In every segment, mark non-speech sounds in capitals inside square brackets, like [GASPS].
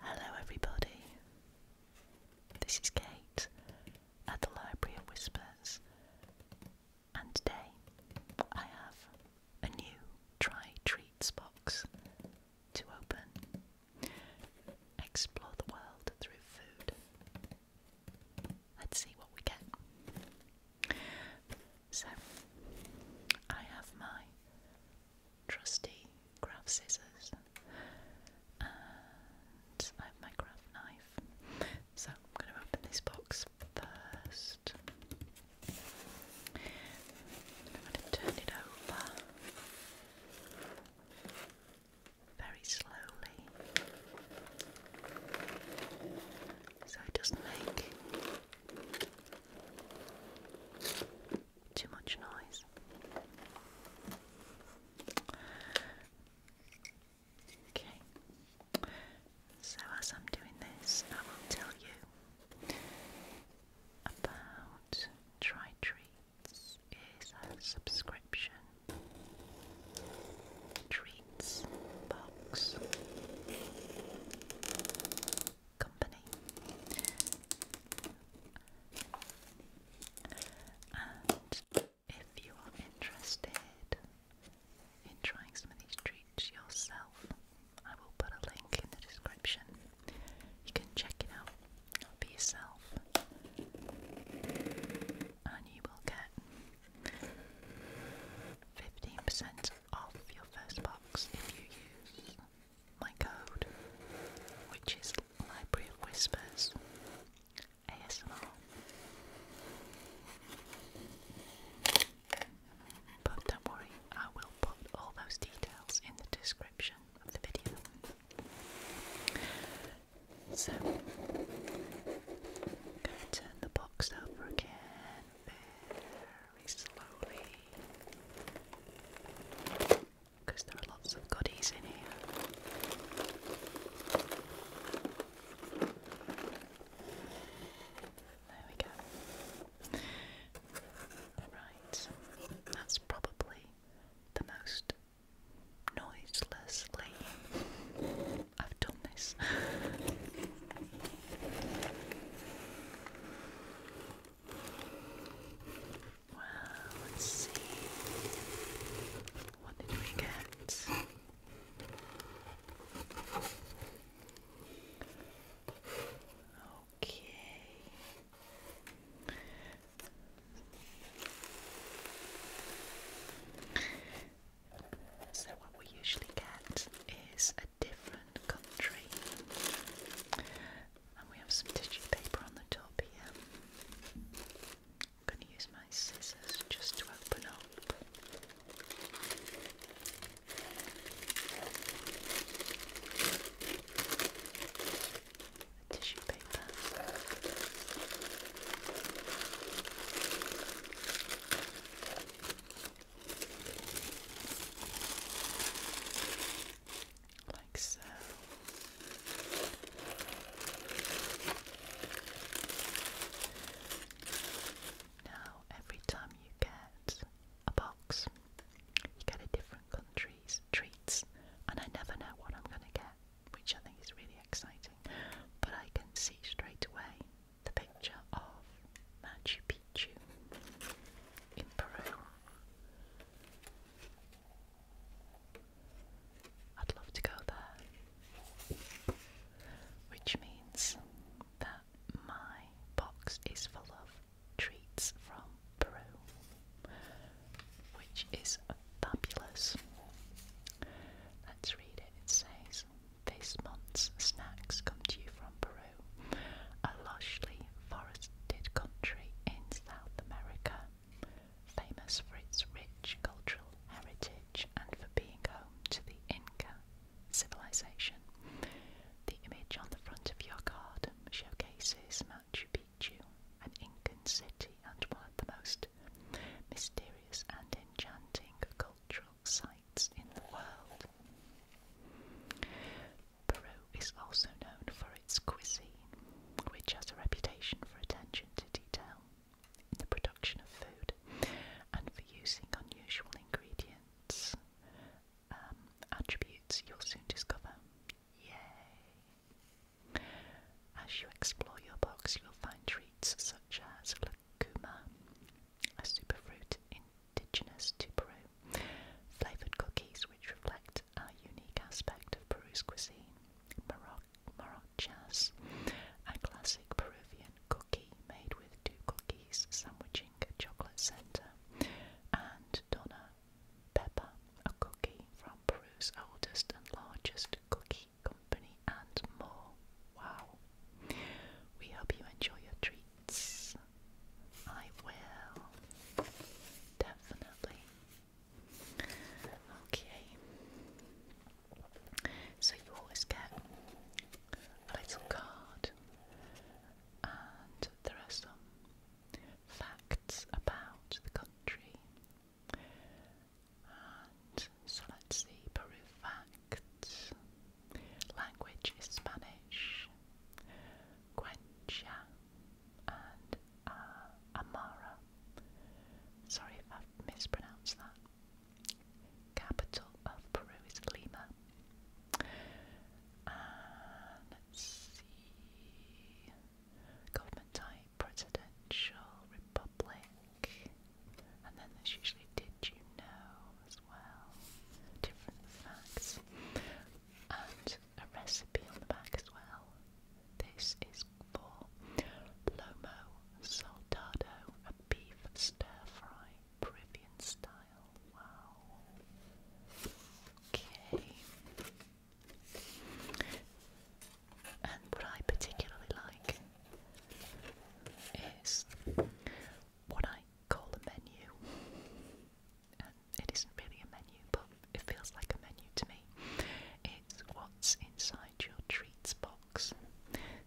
Hello, everybody. This is Kate at the Library of Whispers, and today I have a new Try Treats box to open. Explore the world through food. Let's see what we get. So I have my trusty craft scissors and I have my craft knife. So I'm going to open this box first. I'm going to turn it over very slowly so it doesn't make too much noise. Okay. So, as I'm doing this, I will tell you about Try Treats is a subscription treats box company. And if you are interested in trying some of these treats yourself, I will put a link in the description. You can check it out for yourself, and you will get 15% off your first box if you use my code, which is Library of Whispers ASMR. But don't worry, I will put all those details in the description of the video. So, going to turn the box over again very slowly because there are lots of goodies in here. There we go. Right, that's probably the most noiselessly I've done this. [LAUGHS] Well, let's see. What did we get? Okay. So what we usually get is a different and we have some tissue paper on the top here. I'm going to use my scissors just to open up. tissue paper like so. Now, every time you get a box, you get a different country's treats, and I never know what I'm going to get, which I think is really exciting. But I can see straight away the picture of Machu Picchu. Picchu in Peru. I'd love to go there, which means that my box is full of treats from Peru, which is fabulous. Let's read it. It says, This month's snacks come to you from Peru a lushly forested country in South America, famous for its rich cultural heritage and for being home to the Inca civilization. The image on the front of your card showcases Machu Picchu, an Incan city and one of the most mysterious and enchanting cultural sites in the world. Peru is also known for its cuisine, which has a reputation for attention to detail in the production of food and for using unusual ingredients. Um, attributes you'll soon discover. Yay! As you explore your box, you'll find treats such as lucuma, a superfruit in indigenous to Peru. Flavoured cookies which reflect our unique aspect of Peru's cuisine. Morochas, a classic Peruvian cookie made with two cookies sandwiching a chocolate centre. And Donna Peppa, a cookie from Peru's oldest and largest cookie company and more. Wow. We hope you enjoy your treat I will. Definitely. Okay. So you always get a little card, and the rest of facts about the country. And so let's see Peru facts. Language is Spanish. Quencha, and uh, Amara. Sorry if i mispronounced that. Capital of Peru is Lima. let's see. Government type presidential republic. And then there's usually did you know as well. Different facts and a recipe on the back as well. This is for plomo soldado, a beef stir-fry, Peruvian style. Wow. Okay. And what I particularly like is what I call a menu it isn't really a menu, but it feels like a menu to me. It's what's inside your treats box.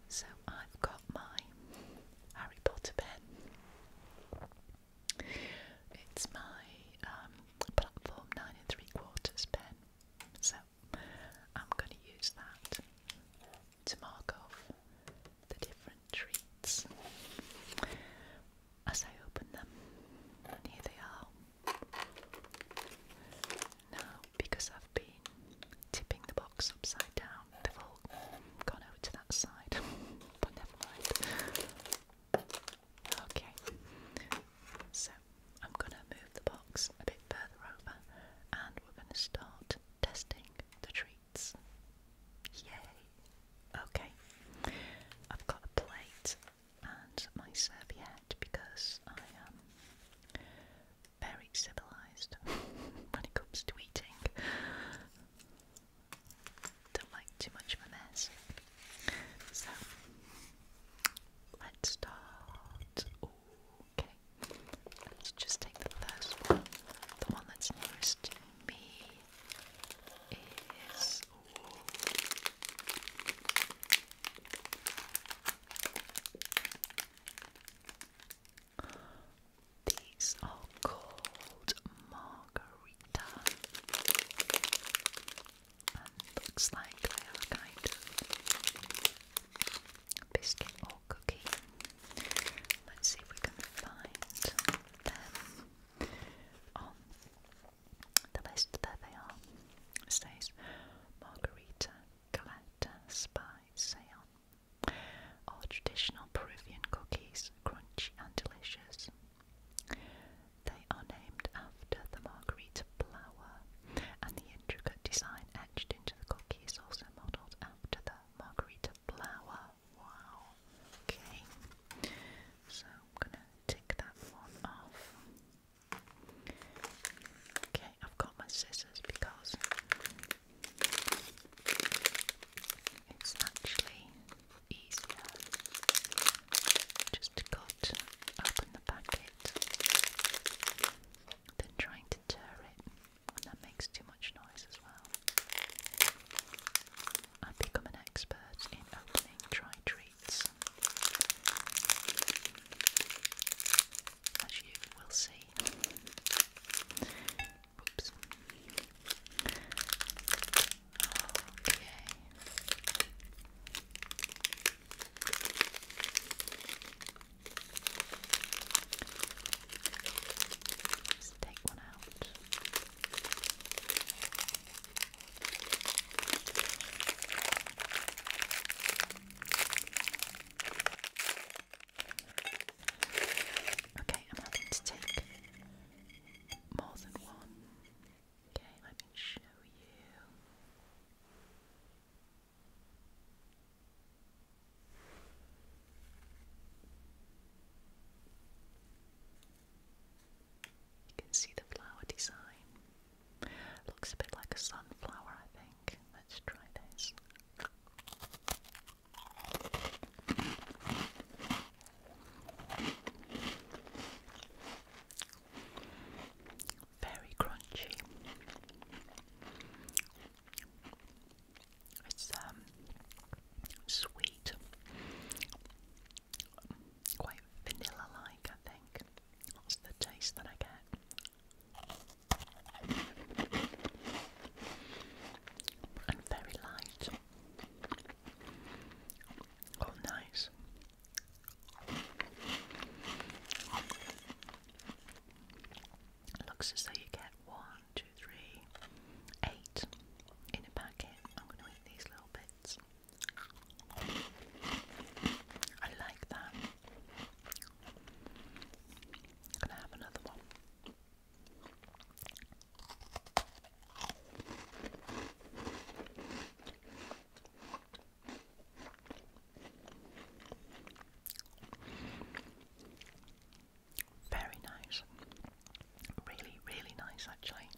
So I've got my Harry Potter pen. It's my um, platform nine and three quarters pen. So I'm going to use that to mark off the different treats as I open them. And here they are. Now, because I've been tipping the box upside down, they've all gone over to that side. [LAUGHS] but never mind. Okay. So, I'm going to move the box a bit further over and we're going to start testing the treats. Yay! Okay, I've got a plate and my serviette because I am very civilized [LAUGHS] when it comes to eating. Don't like too much of a mess. So let's start. okay, let's just take the first one, the one that's nearest me is These are called margarita looks like they are kind of biscuit or cookie. Let's see if we can find them on um, the list, there they are. It says Margarita, Galetta, Spice, Seon. All traditional Peruvian cookies, crunchy and delicious. They are named after the margarita flower, and the intricate design etched into the cookie is also modelled after the margarita flower. Wow. Okay, so I'm gonna tick that one off. Okay, I've got my scissors because it's actually easier just to cut open the packet than trying to tear it, and that makes too much noise as well. I've become an expert in opening dry tree lights. As you will see. Oops. Okay. let take one out. Okay, I'm having to take more than one. Okay, let me show you. You can see the flower design. Looks a bit like a sunflower, I think. Let's try this. Very crunchy. It's um sweet quite vanilla like, I think. That's the taste that I get. And very light. Oh, nice. looks as though you get one, two, three, eight in a packet. I'm going to eat these little bits. I like that. Can I have another one? Very nice. Really, really nice actually.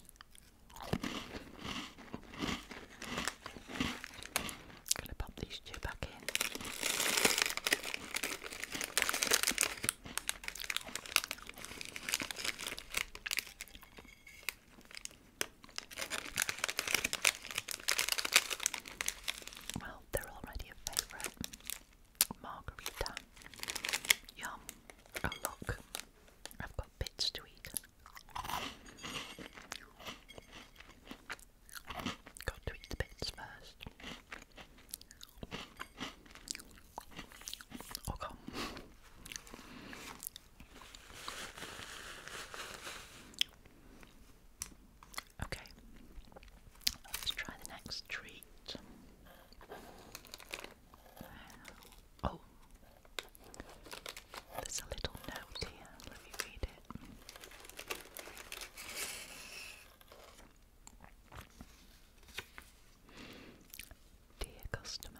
Gonna pop these two back in. Well, they're already a favourite. Margarita. Yum. look, I've got bits to eat. Got to eat the bits first. Oh Okay. Let's try the next treat. Oh, there's a little note here. Let me read it. Dear customer,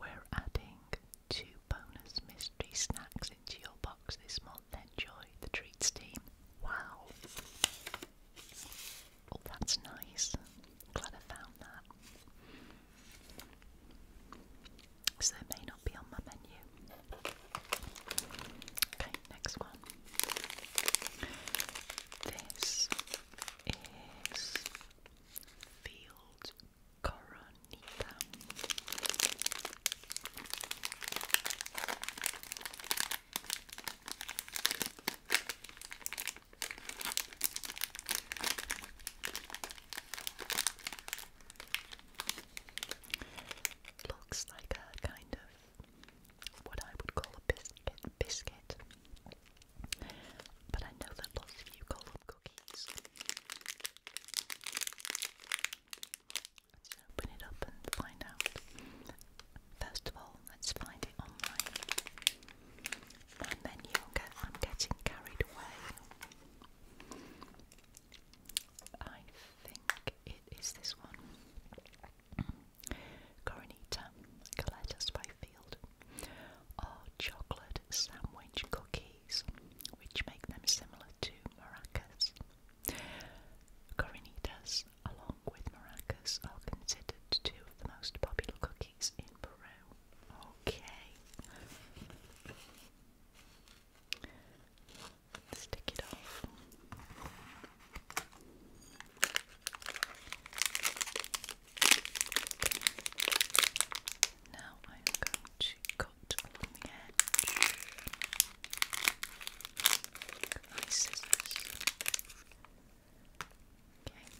we're adding two bonus mystery snacks into your box this month. Enjoy the treats team. Wow. Oh, that's nice. Glad I found that. So they may not be on my menu. Okay, next one. This is Field Coronita. Looks like a kind of what I would call a biscuit biscuit. But I know that lots of you call them cookies. Let's open it up and find out. First of all, let's find it online my menu. I'm getting carried away. I think it is this one. Coronita Galletas by Field are chocolate sandwich cookies, which make them similar to maracas. Coronitas, along with maracas, are considered two of the most popular cookies. Okay. Stick it off. Now I am going to cut along the edge. My scissors. Okay.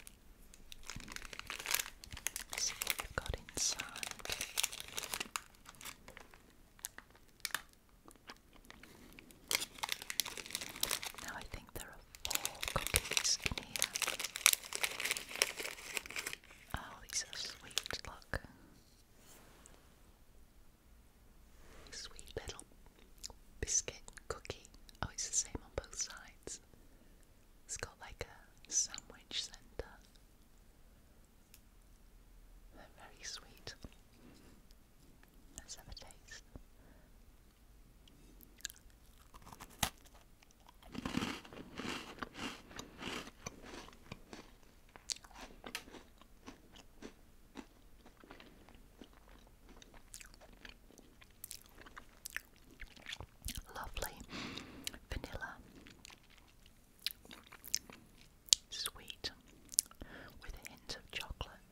Let's see what we've got inside. Now I think there are four cookies in here. Oh, these are sweet, look. Sweet little biscuit cookie. Oh, it's the same on both sides. It's got like a sandwich center very sweet. Let's have a taste. Lovely vanilla, sweet with a hint of chocolate.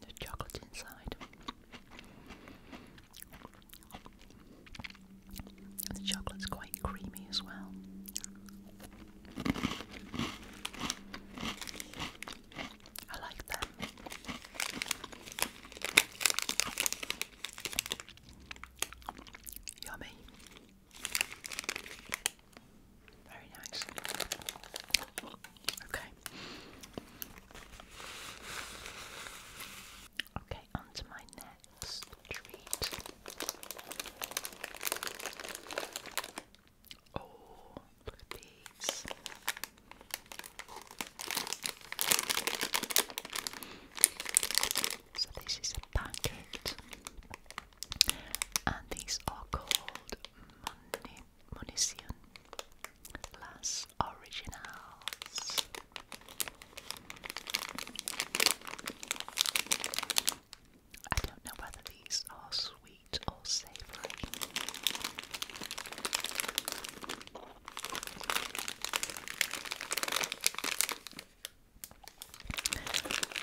The chocolate inside. The chocolate's quite creamy as well. I like them. Yummy. Very nice. Okay. Okay, on my next. Oh, look at these. So this is a packet, and these are called Muni Munician Las Originals. I don't know whether these are sweet or savory.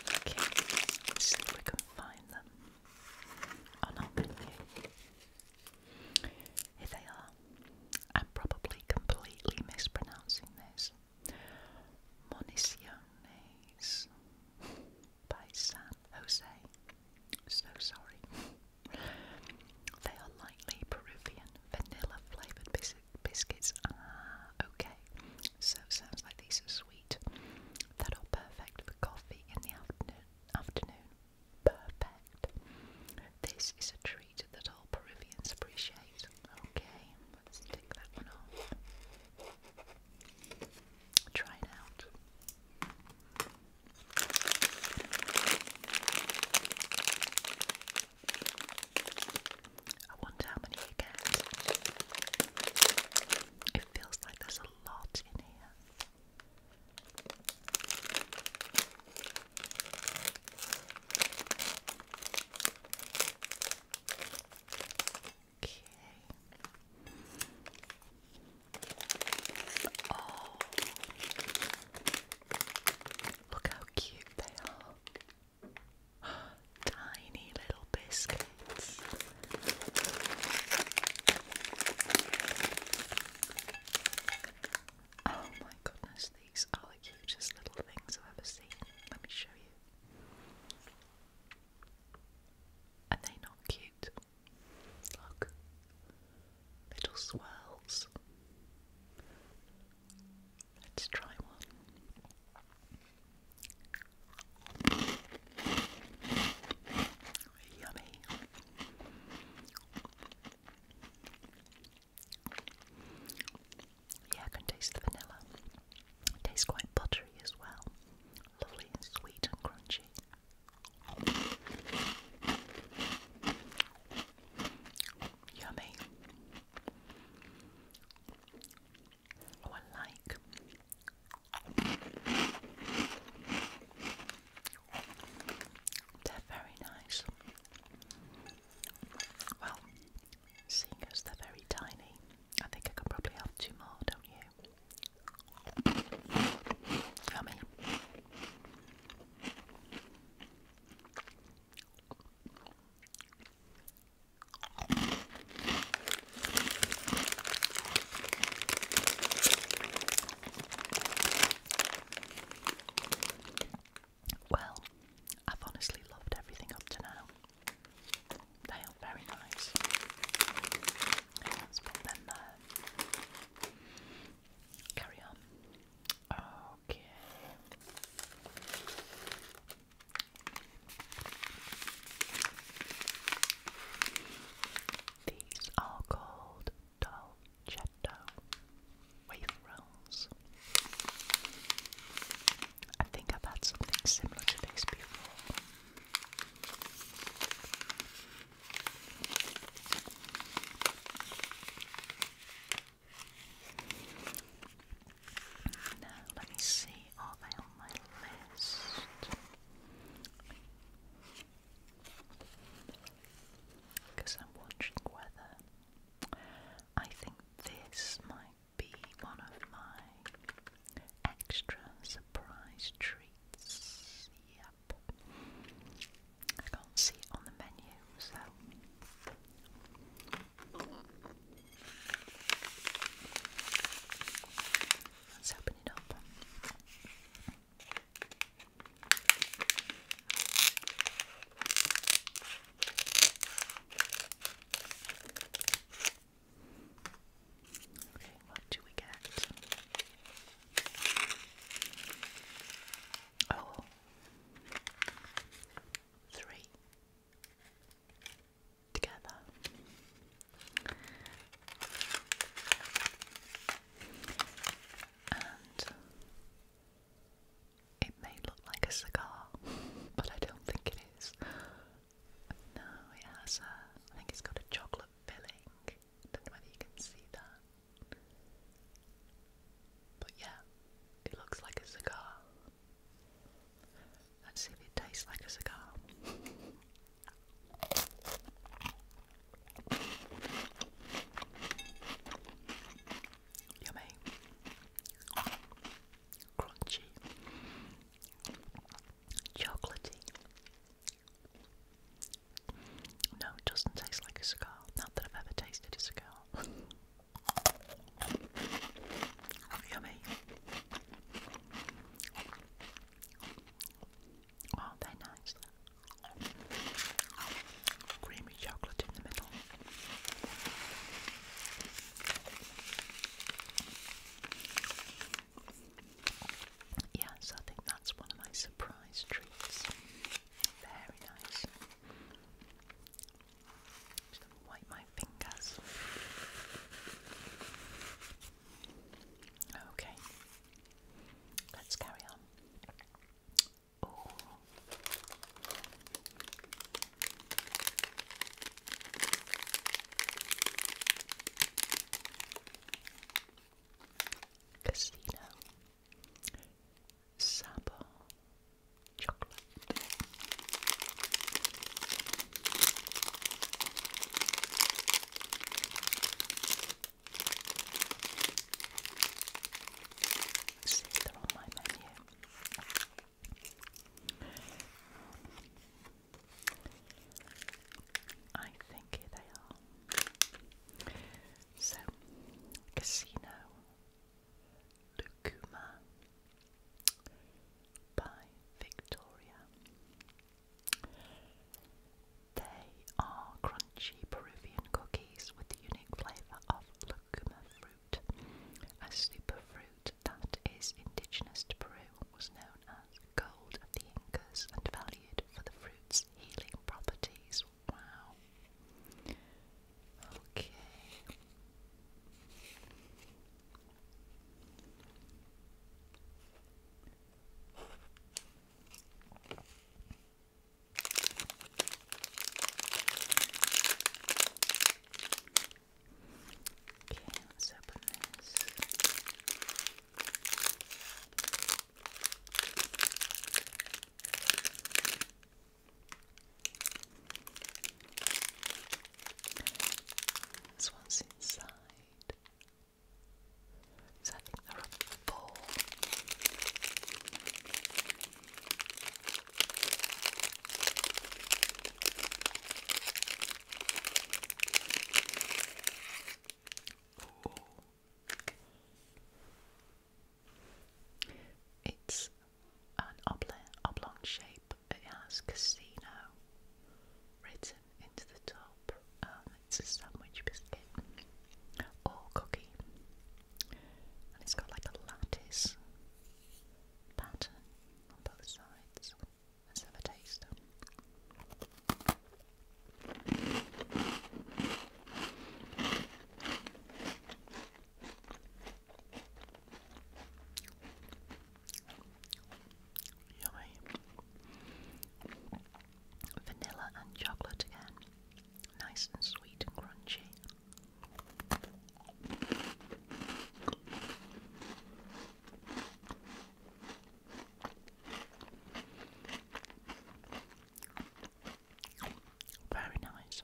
Okay, see if we can find them. Oh no, can Here they are. I'm probably completely mispronouncing this. Moniciones by San Jose. So sorry. They are lightly Peruvian vanilla flavoured biscuit biscuits. Ah, okay. So it sounds like these are sweet. That are perfect for coffee in the afternoon. Afternoon, perfect. This is a treat that all Peruvians appreciate. Okay, let's take that one off. Try it out. I wonder how many you get. It feels like there's a lot in here. Okay. Oh, look how cute they are. [GASPS] Tiny little biscuits. Oh my goodness, these are the cutest little things I've ever seen. Let me show you. Are they not cute? Look, little swirls. Let's try one. Yummy. Yeah, I can taste the vanilla. It tastes quite buttery as well. Lovely and sweet and crunchy. Yummy. Oh, I like. They're very nice. Well, Seeing as they're very tiny, I think I can probably have two more, don't you? Yummy. Well, I've honestly loved everything up to now. They are very nice. Let's put them there. Carry on. Okay. These are called dolcetto wafer I think I've had something similar to this before. Now, let me see, are they on my list? Because I'm watching weather. I think this might be one of my extra surprise treats. Yep. can't see on the menu, so. Let's open it up. Okay, what do we get? Oh, three together. And it may look like a cigar, [LAUGHS] but I don't think it is. No, it has a. I think it's got a chocolate filling. Don't know whether you can see that. But yeah, it looks like a cigar. Let's see if it tastes like a cigar. Yummy. Crunchy chocolatey. No, it doesn't taste like a cigar. Not that I've ever tasted a cigar. [LAUGHS] Yummy. Oh, they nice. Creamy chocolate in the middle. Yeah, I think that's one of my surprise treats. Very nice. Just wipe my fingers. Okay, let's carry on. Casino Sabo Chocolate See, they on my menu. I think here they are. So, Casino Lucuma by Victoria. They are crunchy Peruvian cookies with the unique flavour of lucuma fruit, a superfruit that is indigenous to Peru was known as gold of the Incas and valued for the fruit's healing properties. Wow. Okay. Okay, let's open this. This one's inside. So I think there are four. It's an oblong, shape. It has casino written into the top, and it's a sandwich biscuit or cookie, and it's got like a lattice pattern on both sides. Let's have a taste. Yummy. Vanilla and chocolate again. Nice and sweet and crunchy. Very nice.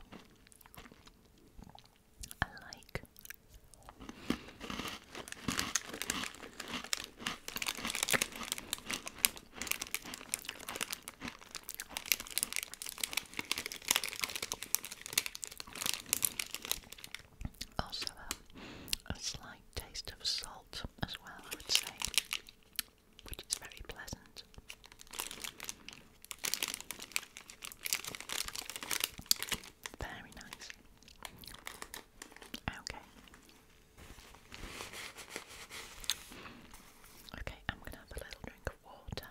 I like. Also, um, a slight taste of salt as well, I would say, which is very pleasant. Very nice. Okay. Okay, I'm going to have a little drink of water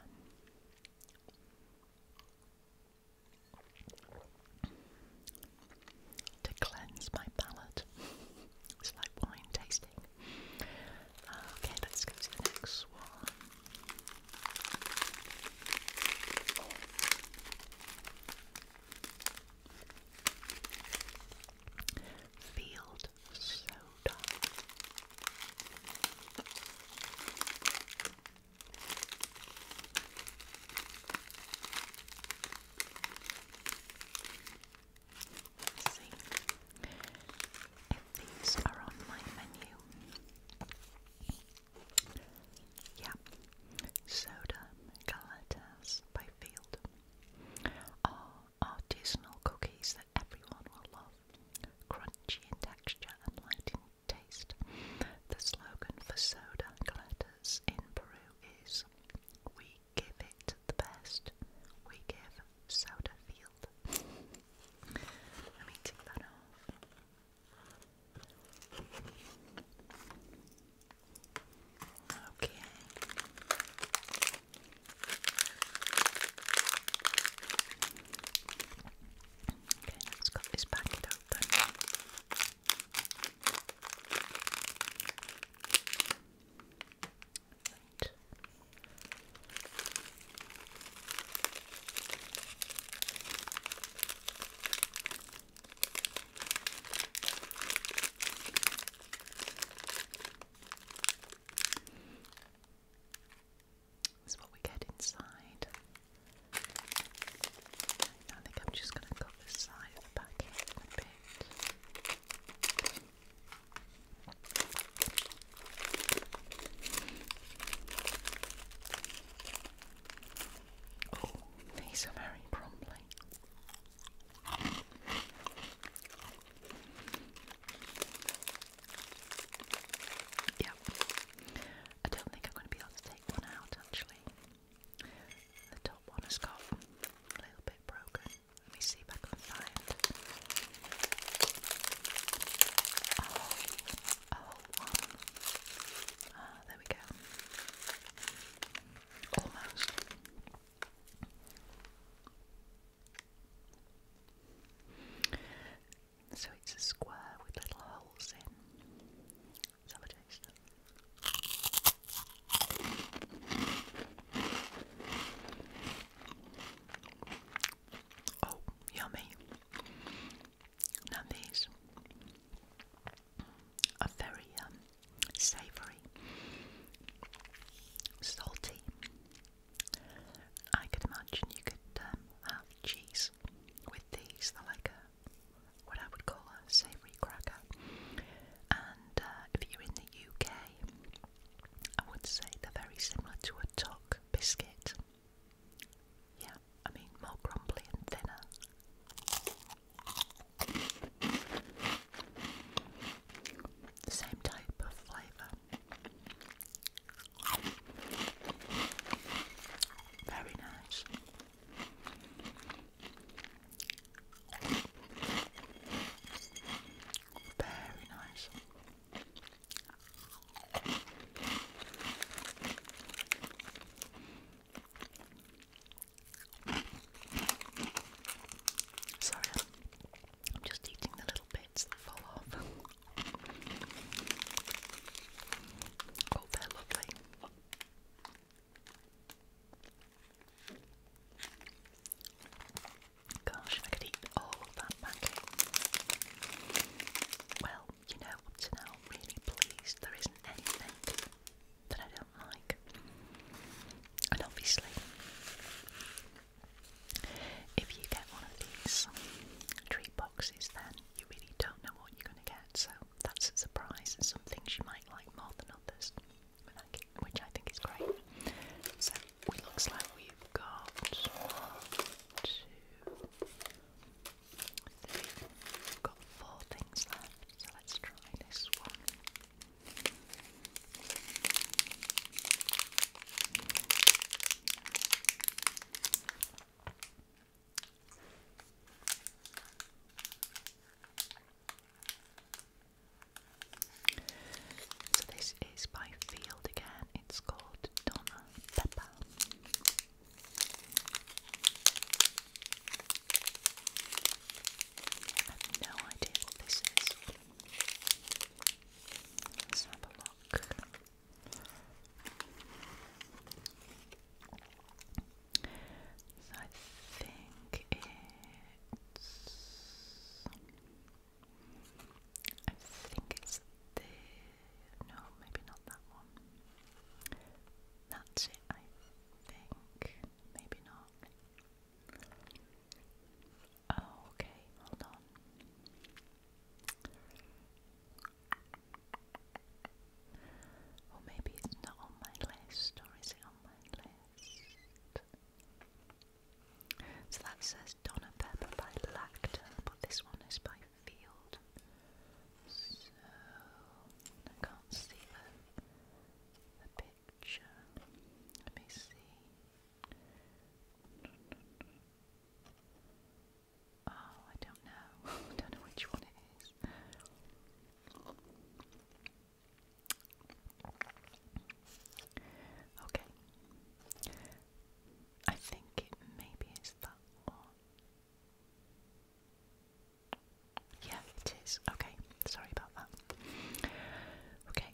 to cleanse my palate. [LAUGHS] it's like wine tasting. Uh, okay, let's go to the next one. Field soda see if these are on my menu. Yeah, soda galatas by Field are artisanal cookies that everyone will love. Crunchy in texture and light in taste. The slogan for soda galatas in Peru is we give it the best. We give soda field. Let me take that off. Okay. Okay, let's cut this packet open. Right. That's what we get inside. I think I'm just going to cut this side of the packet a bit. Oh, these are very crumbly. Yep. I don't think I'm going to be able to take one out actually. The top one has got a little bit broken. Let me see if I can find. Oh, a oh, whole one. Ah, there we go. Almost. So it's a square with little holes in sabotation. Oh, yummy. Now these are very um, savoury, salty. I could imagine you could um, have cheese with these. They're like a what I would call a savoury cracker. And uh, if you're in the UK, I would say they're very similar to a tuck biscuit. Yeah, I mean, more crumbly and thinner. same type of flavour. Very nice. Very nice. Sorry, I'm just eating the little bits that fall off. Oh, lovely. Gosh, I could all that pancake. Well, you know, up to now, really pleased there isn't anything that I don't like. And obviously, if you get one of these treat boxes, then you really don't know what you're going to get, so that's a surprise, and some things you might like more than others which I think is great. So it looks like we've got one, two, got four things left, so let's try this one. So this is by Field again. It's called Donna Pepper. no idea what this is. Let's have a look. So I think it's I think it's the no, maybe not that one. That's it, I think. Maybe not. Oh, okay, hold on. Or maybe it's not on my list, or is it on my so that says Donna Pepper by Lacta, but this one is by Field. So I can't see the picture. Let me see. Oh, I don't know. [LAUGHS] I don't know which one it is. Okay. I think maybe is that Yeah, it is. Okay, sorry about that. Okay,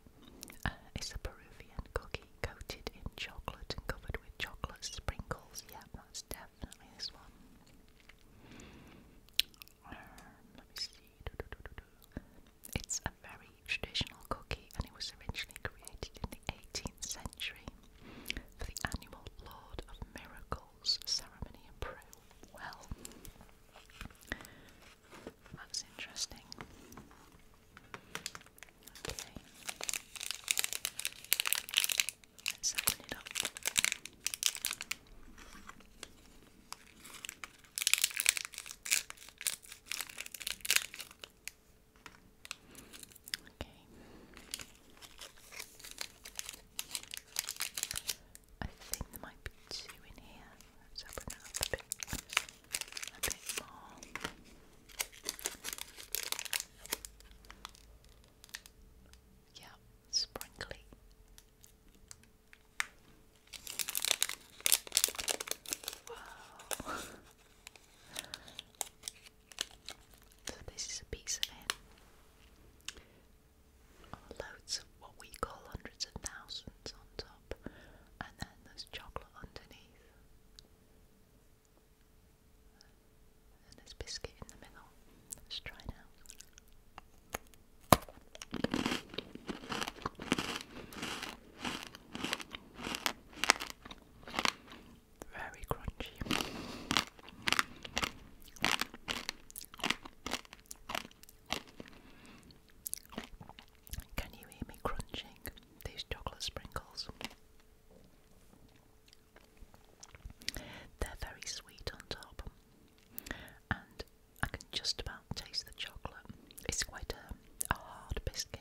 uh, it's a Peruvian cookie coated in chocolate and covered with chocolate sprinkles. Yeah, that's definitely this one. Um, let me see. It's a very traditional cookie and it was originally created in the 18th century for the annual Lord of Miracles ceremony and prayer. Well, that's interesting. Okay. Let's open it up. Okay. I think there might be two in here. a bit more. Yeah, sprinkly this is a piece of it. loads of what we call hundreds of thousands on top, and then there's chocolate underneath. And there's biscuit in the middle. Let's try now. Very crunchy. Can you hear me crunching these chocolate sprinkles? They're very sweet on top and I can just about taste the chocolate. It's quite a, hard biscuit.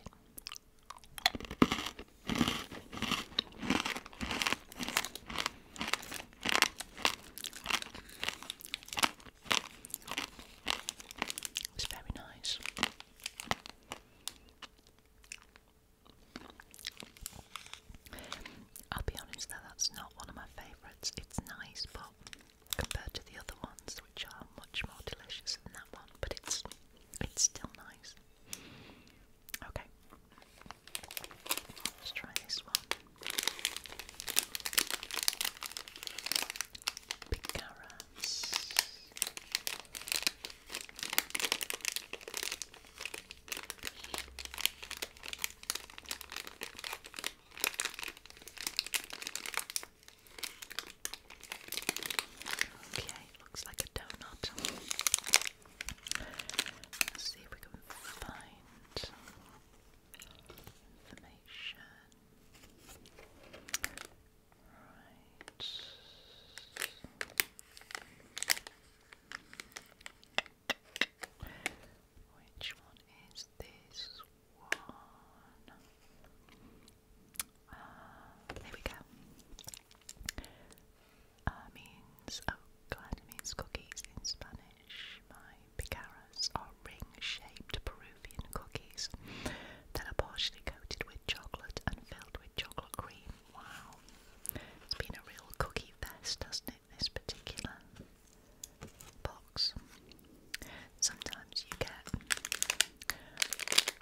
It's very nice. I'll be honest though, that's not one of my favourites. It's nice, but compared to the other ones, which are much more delicious than that one, but it's it's still nice. Okay, let's try this one. Big carrots. Okay, looks like a donut. Let's see if we can find information. Right. Which one is this one. there we go. Uh, means, oh god, means cookies in Spanish. My picaras are ring-shaped Peruvian cookies that are partially coated with chocolate and filled with chocolate cream. Wow. It's been a real cookie fest, hasn't it, this particular box. Sometimes you get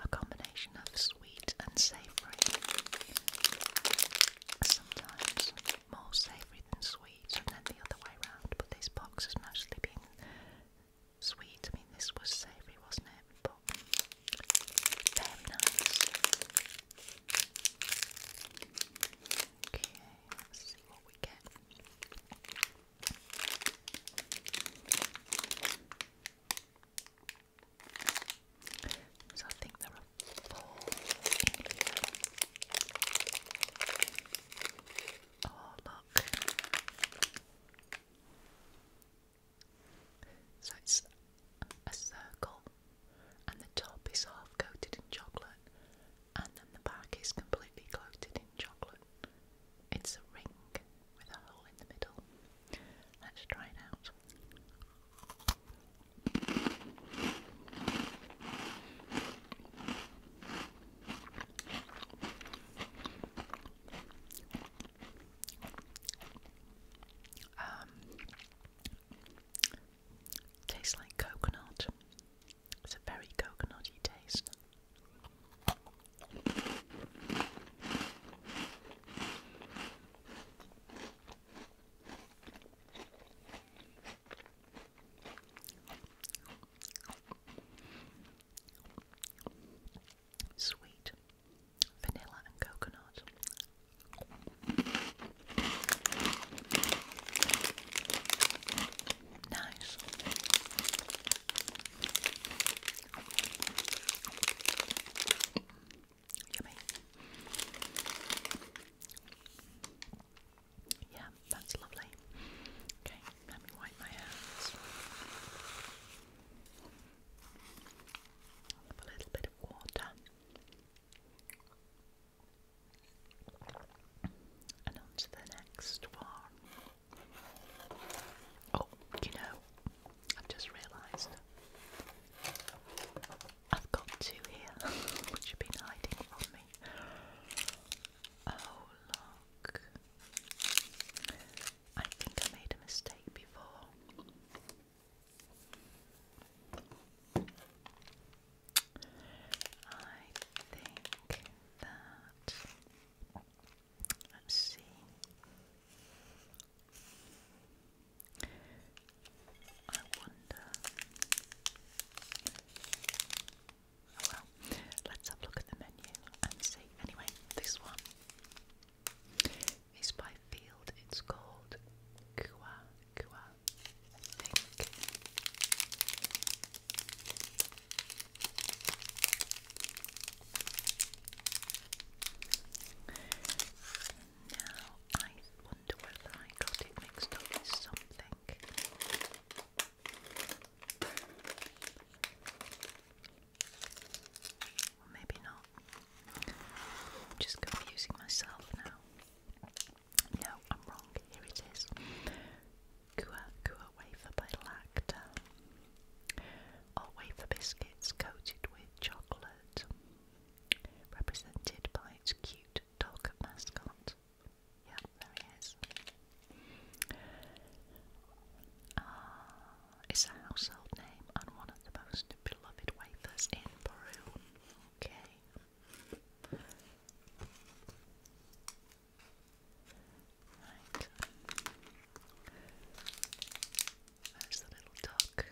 a combination of sweet and savoury. Sometimes more savoury than sweet, and then the other way around. But this box has mostly been sweet. I mean, this was savoury, wasn't it? But very nice. Okay, let's see what we get. So I think there are four Oh look. So it's a circle and the top is half coated in chocolate and then the back is completely coated in chocolate. It's a ring with a hole in the middle. Let's try it out. Um, tastes like coconut. It's a very coconutty taste. Sweet vanilla and coconut. Nice. Yeah, that's lovely. Okay, let me wipe my hands. Have a little bit of water. And on the next one. Oh, you know, I've just realised I've got two here which have been hiding from me. Oh, look. I think I made a mistake before. I think Let's see. I wonder. Oh, well, let's have a look at the menu and see. Anyway, this one is by Field. It's called Kua Kua. I think now I wonder whether I got it mixed up with something. maybe not. I'm just confusing myself now. No, I'm wrong. Here it is. Kua Kua wafer by Lacta, or wafer biscuits coated with chocolate, represented by its cute dog mascot. Yeah, there he is. Uh, it's a household name and one of the most beloved wafers in Peru. Okay. Right. There's the little duck.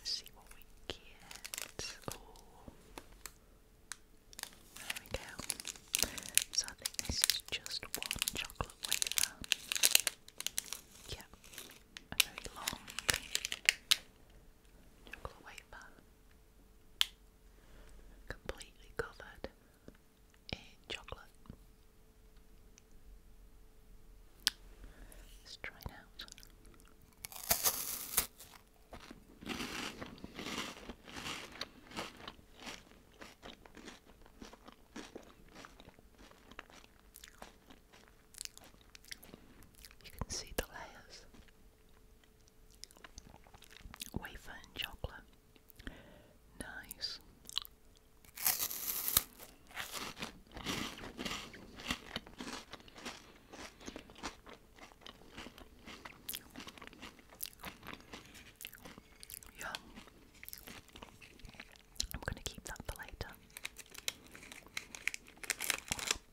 Let's see what we get. Oh, there we go. So this is just one chocolate wafer. Yeah, a very long chocolate wafer, completely covered in chocolate. Let's try it out. You can see the layers wafer and chocolate. Nice. Yum. I'm going to keep that for later.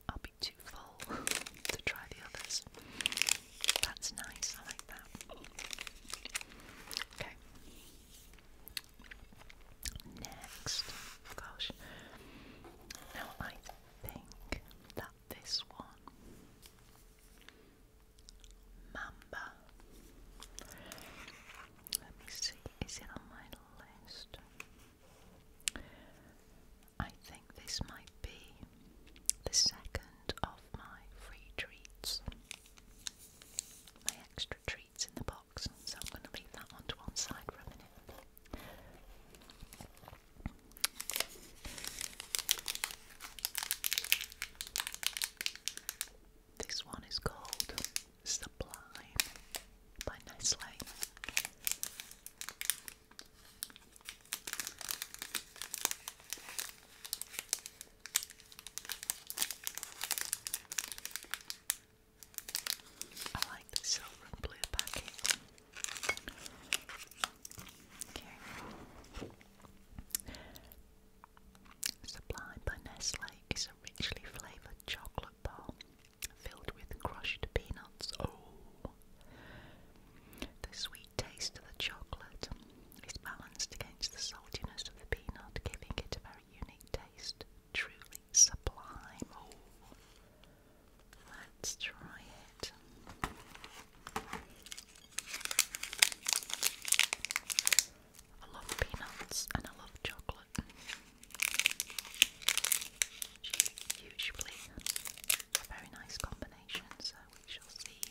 I'll, be too full [LAUGHS] to try the others. That's nice, I like that. Okay. Next, gosh. Now I think that this one Mamba. Let me see, is it on my list? I think this might be the second of my free treats. My extra treats in the box, so I'm going to leave that one one side for a minute. This one is called Sublime by Nestle. I like the silver blue packet. Supplied by Nestle is a richly flavoured chocolate bar filled with crushed peanuts. Oh! The sweet taste of the chocolate is balanced against the saltiness of the peanut, giving it a very unique taste. Truly sublime. Oh. Let's try it. I love peanuts and I love chocolate. Usually very nice combination, so we shall see.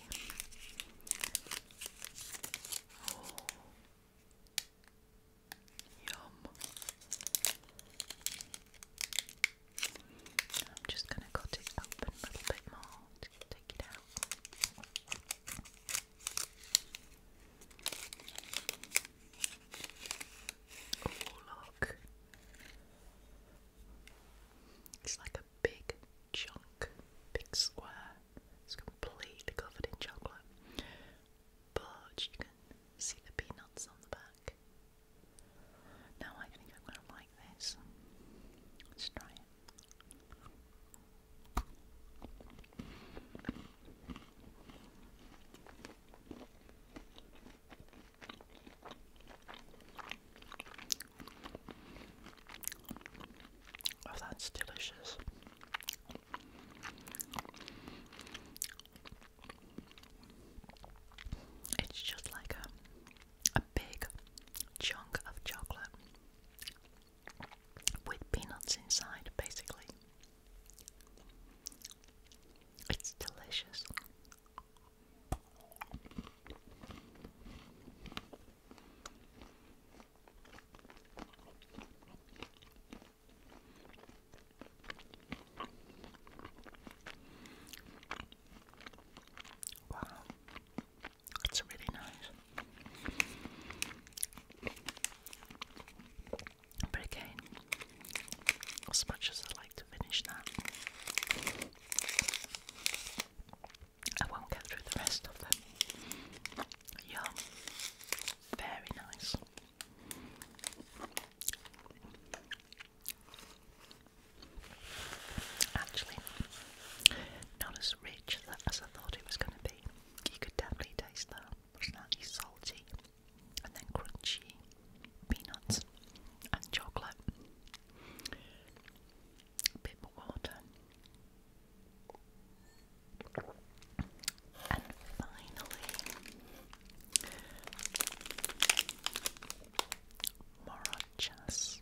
Oh, yum. I'm just going to cut it open a little bit more to take it out look. It's like a big chunk, big square. It's completely covered in chocolate. But you can see the peanuts on the back. Now I think I'm going to like this. Let's try it. Oh, that's delicious. It's just like a a big chunk of chocolate with peanuts inside, basically. It's delicious. Wow. It's really nice. But again, as much as I like to finish that, I won't get through the rest of them. Yum. Very nice. Actually, not as rich as I thought it was going to be. You could definitely taste the slightly salty and then crunchy peanuts and chocolate. A bit more water. And finally, Morochas.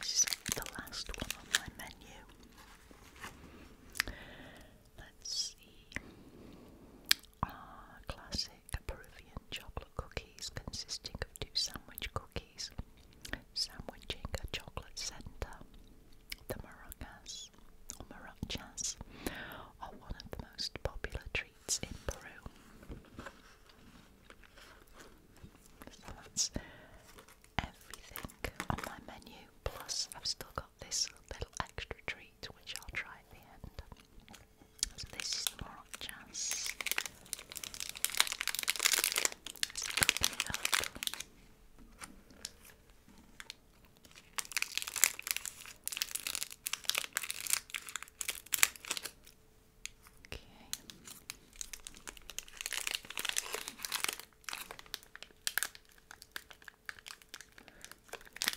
This is the last one on my menu. Let's see. Our classic Peruvian chocolate cookies consisting of two sandwich cookies. Sandwiching a Chocolate Centre. The maracas, or marachas, are one of the most popular treats in Peru. that's everything on my menu, plus I've still got this little extra treat which I'll try at the end. So this is the marachas. Open it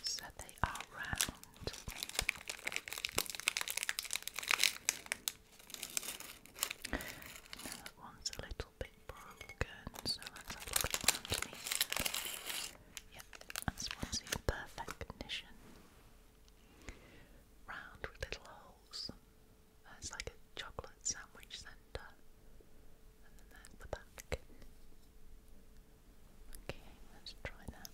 So they are round. Now that one's a little bit broken, so let's look at one underneath. Yep, that's one's perfect condition. Round with little holes. That's like a chocolate sandwich centre. And then there's the back. Okay, let's try that.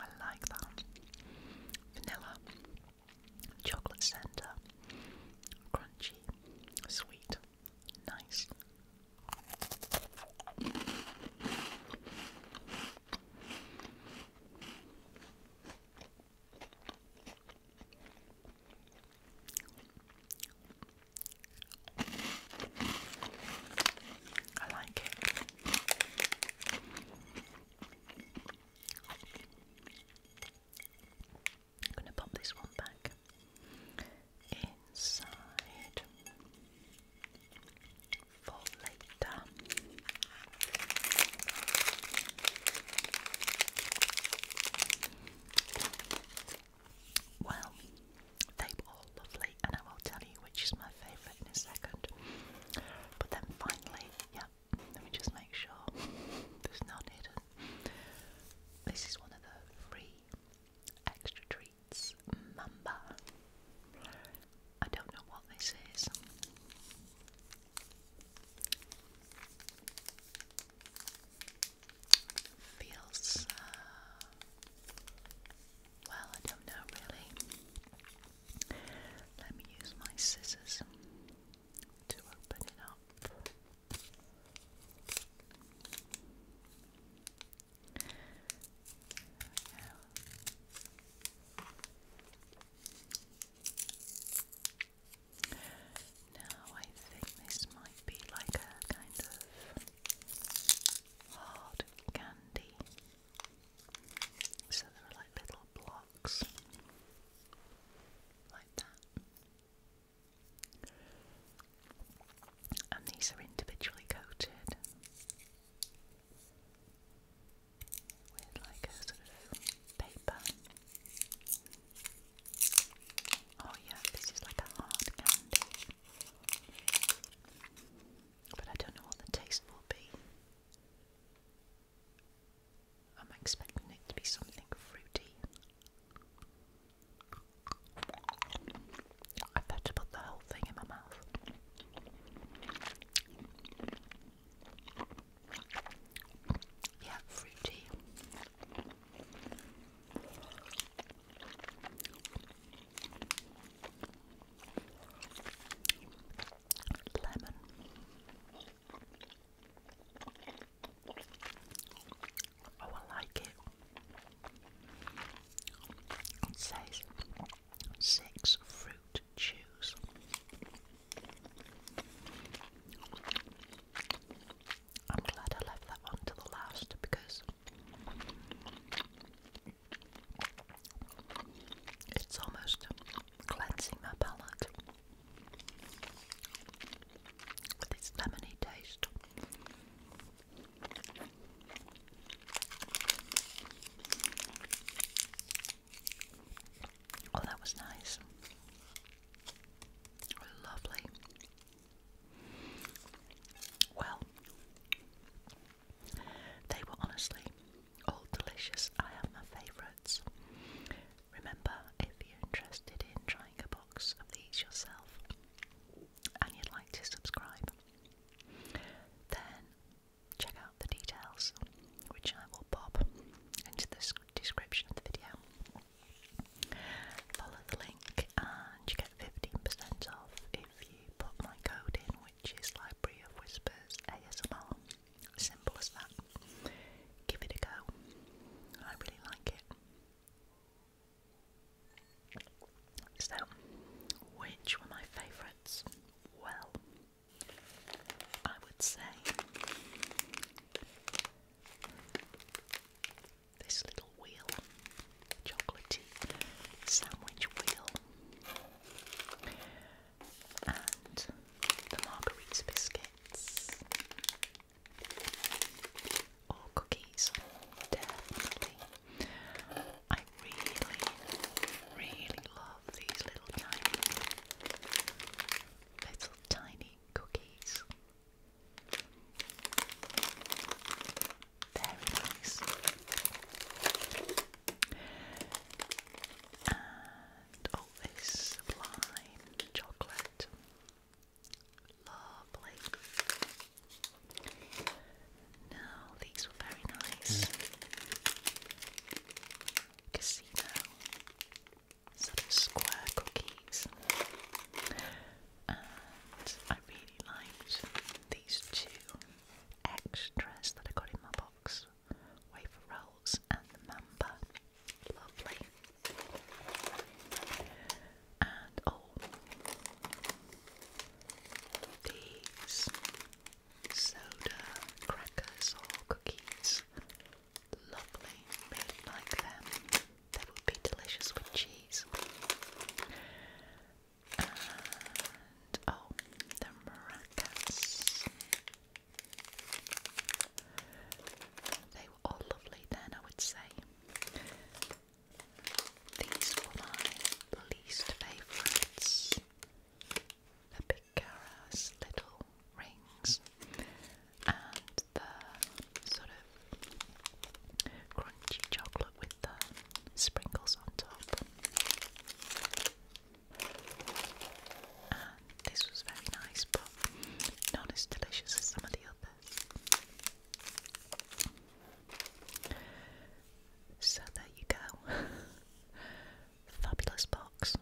I like that. Vanilla, chocolate center, crunchy, sweet, nice. I like it. I'm going to pop this one back inside for later. Well, they were all lovely, and I will tell you which is my favourite in a second. But then finally, yeah, let me just make sure [LAUGHS] there's none hidden. This is one of the free extra treats, Mamba. I don't know what this is. Feels, uh, well, I don't know really. Let me use my scissors to open it up. Now I think this might be like a kind of hard candy. So there are like little blocks like that. And these are individually coated with like a sort of paper Oh yeah, this is like a hard candy. But I don't know what the taste will be. I'm expecting it to be something fruity. I better put the whole thing in my mouth. Yeah, fruity. Lemon. Oh, I like it. says six fruit chews. I'm glad I left that one to the last because it's almost cleansing my palate with its lemony taste. Oh, that was nice. Lovely. Well, they were honestly all delicious. I have my favourites. Remember, if you're interested in trying a box of these yourself and you'd like to subscribe, then check out the details, which I will pop into the description of the video. Follow the link and you get 15% off if you put my code in, which is Library of Whispers ASMR. Simple as that. Give it a go. I really like it. So, which were my favourites? Well, I would say this little wheel, chocolatey sandwich wheel, and the margaritas biscuits or cookies, definitely. I really, really love these little tiny, little tiny cookies. Very nice. And all this sublime chocolate. Lovely. No, these were very nice. Mm. Casino sort of square cookies. And I really liked these two extras that I got in my box wafer rolls and the mamba. Lovely. And oh, these soda crackers or cookies lovely. Really like them. They would be delicious with cheese. And oh, the maracas. They were all lovely then, I would say. These were my least favourites. The big carrots, little rings, and the sort of crunchy chocolate with the sprinkles on top. this was very nice, but not as delicious as some of the others. So there you go. [LAUGHS] Fabulous box,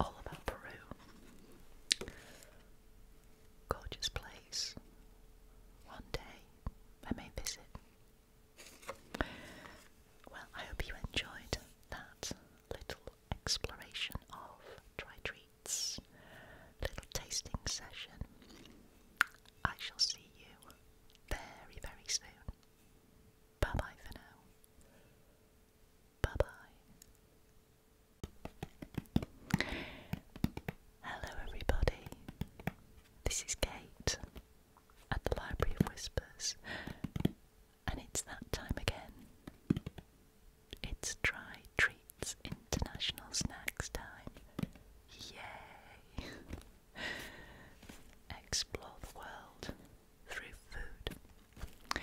all about Peru. Gorgeous place. One day I may visit. Well, I hope you enjoyed that little exploration of dry treats, little tasting session. I shall see you very, very soon. Bye bye for now. Bye bye. Hello, everybody. This is Kate at the Library of Whispers, and it's that time again. It's Try Treats International Snacks Time. Yay! [LAUGHS] Explore the world through food.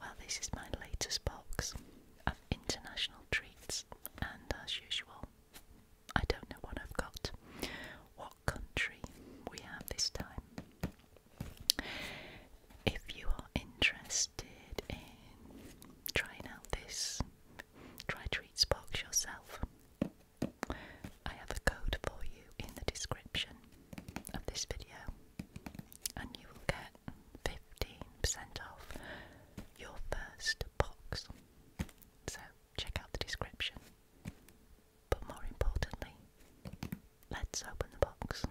Well, this is my latest box of international treats, and as usual, I don't know what I've got, what country we have this time. If you are interested in trying out this Try Treats box yourself, I have a code for you in the description of this video and you will get 15% off your first box. So check out the description. But more importantly, let's open the box.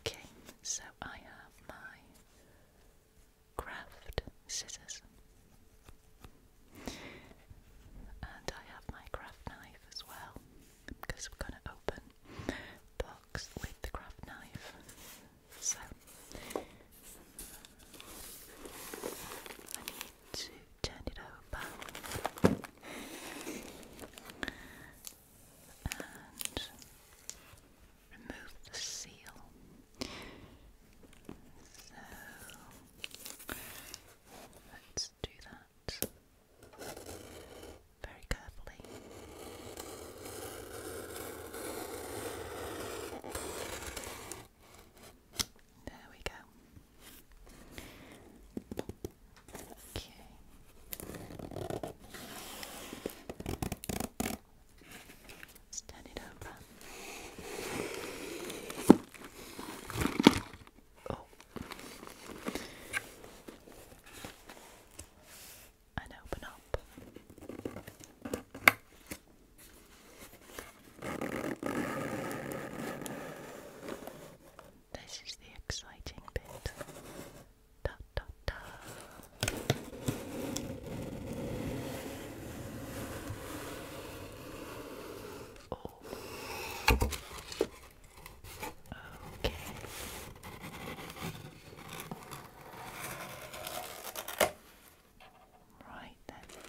Okay, so I have my craft scissors. And I have my craft knife as well because we're going to open. But with the craft knife. So I need to turn it over and remove the seal. So let's do that very carefully. There we go. Okay. turn it over. Oh and open up. This is the exciting bit. Da, da, da. Oh. Okay. Right then.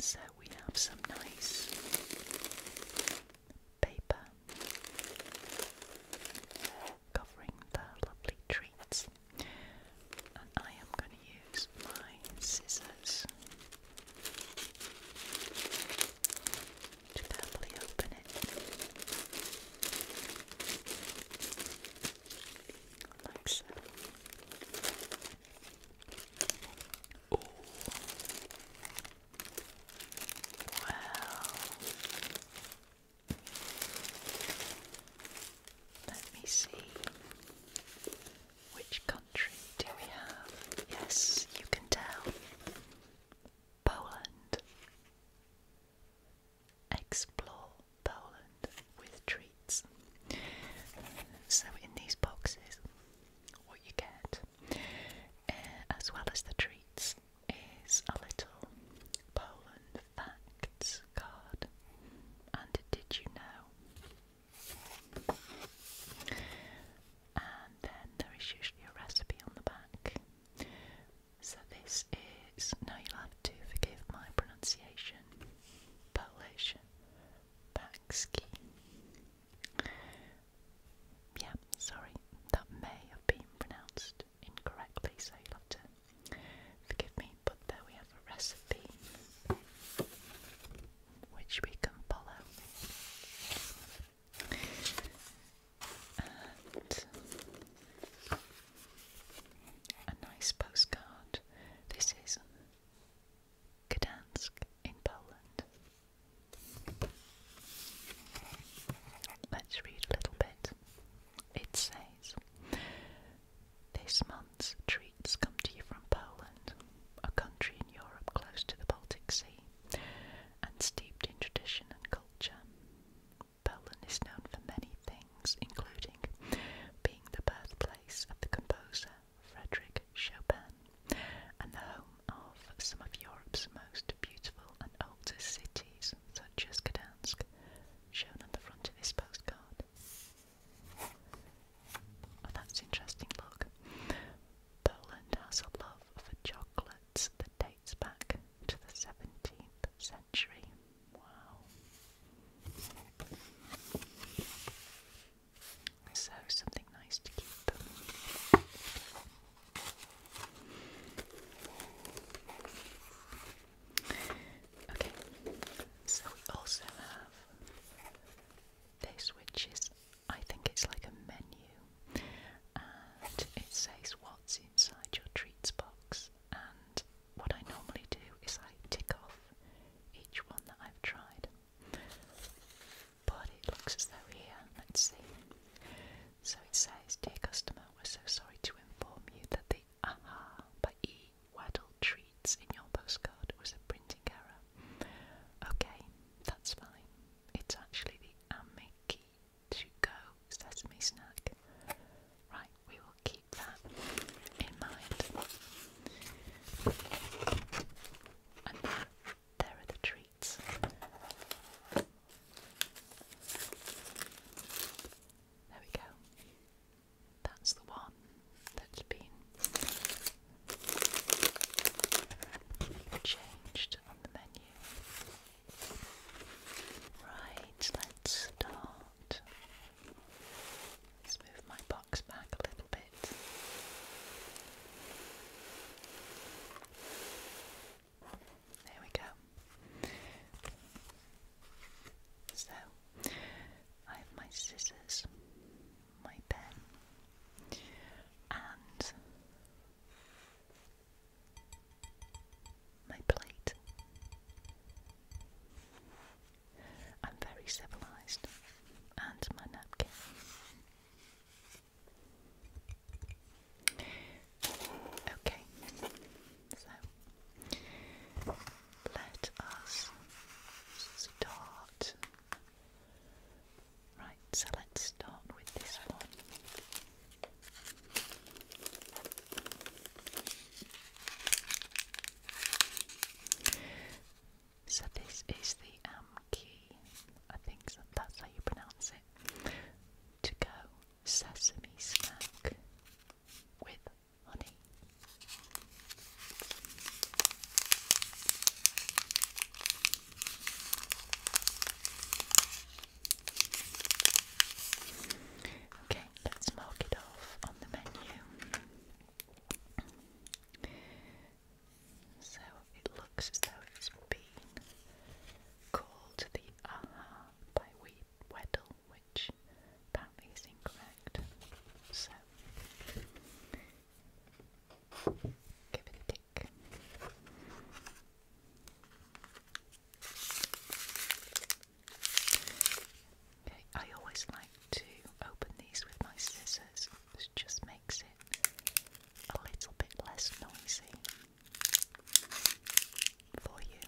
So we have some nice paper covering the lovely treats. I am going to use my scissors carefully open it like so. Ooh. Wow. Let me see which colour country do we have? Yes, you can tell. Poland. Explore Poland with treats. So, in these boxes, what you get, eh, as well as the treats, is a little Poland facts card. And did you know? and then there is usually a recipe on the back. So this is, now you'll have to forgive my pronunciation, Polish Bakski. Yeah, sorry, that may have been pronounced incorrectly, so you'll have to forgive me, but there we have a recipe which we can follow a nice postcard. This is Gdansk in Poland. Let's read a little bit. It says, This month's treats come to you from Poland, a country in Europe close to the Baltic Sea and steeped in tradition and culture. Berlin is known for many things, including being the birthplace of the composer Frederick Chopin and the home of some of Europe's most beautiful and oldest cities, such as Gdansk, shown on the front of this postcard. Oh, that's interesting, look. Poland has a love for chocolates that dates back to the 17th century. Wow. So, something nice to keep. Okay, so we also have this, which is I think it's like a menu, and it says what's inside your treats box. And what I normally do is I tick off each one that I've tried, but it looks as though here, let's see. So it says, Dear customer, we're so sorry to inform you that the AHA by E. Waddle Treats in your postcard was a printing error. Okay, that's fine. It's actually the and Mickey to go sesame snack. Right, we will keep that in mind. And now, there are the treats. There we go. That's the one that's been changed on the menu. Right, let's start. Let's move my box back a little bit. There we go. So, I have my scissors, my pen, and my plate. I'm very civilized, and my napkin. Okay, so let us start Right, so let's start with this one. So this is the Amki, I think that's how you pronounce it, to go sesame snack with honey. Okay, let's mark it off on the menu. So it looks as though it's been called the Aha by Weddle, which apparently is incorrect. So Okay, I always like to open these with my scissors, this just makes it a little bit less noisy for you.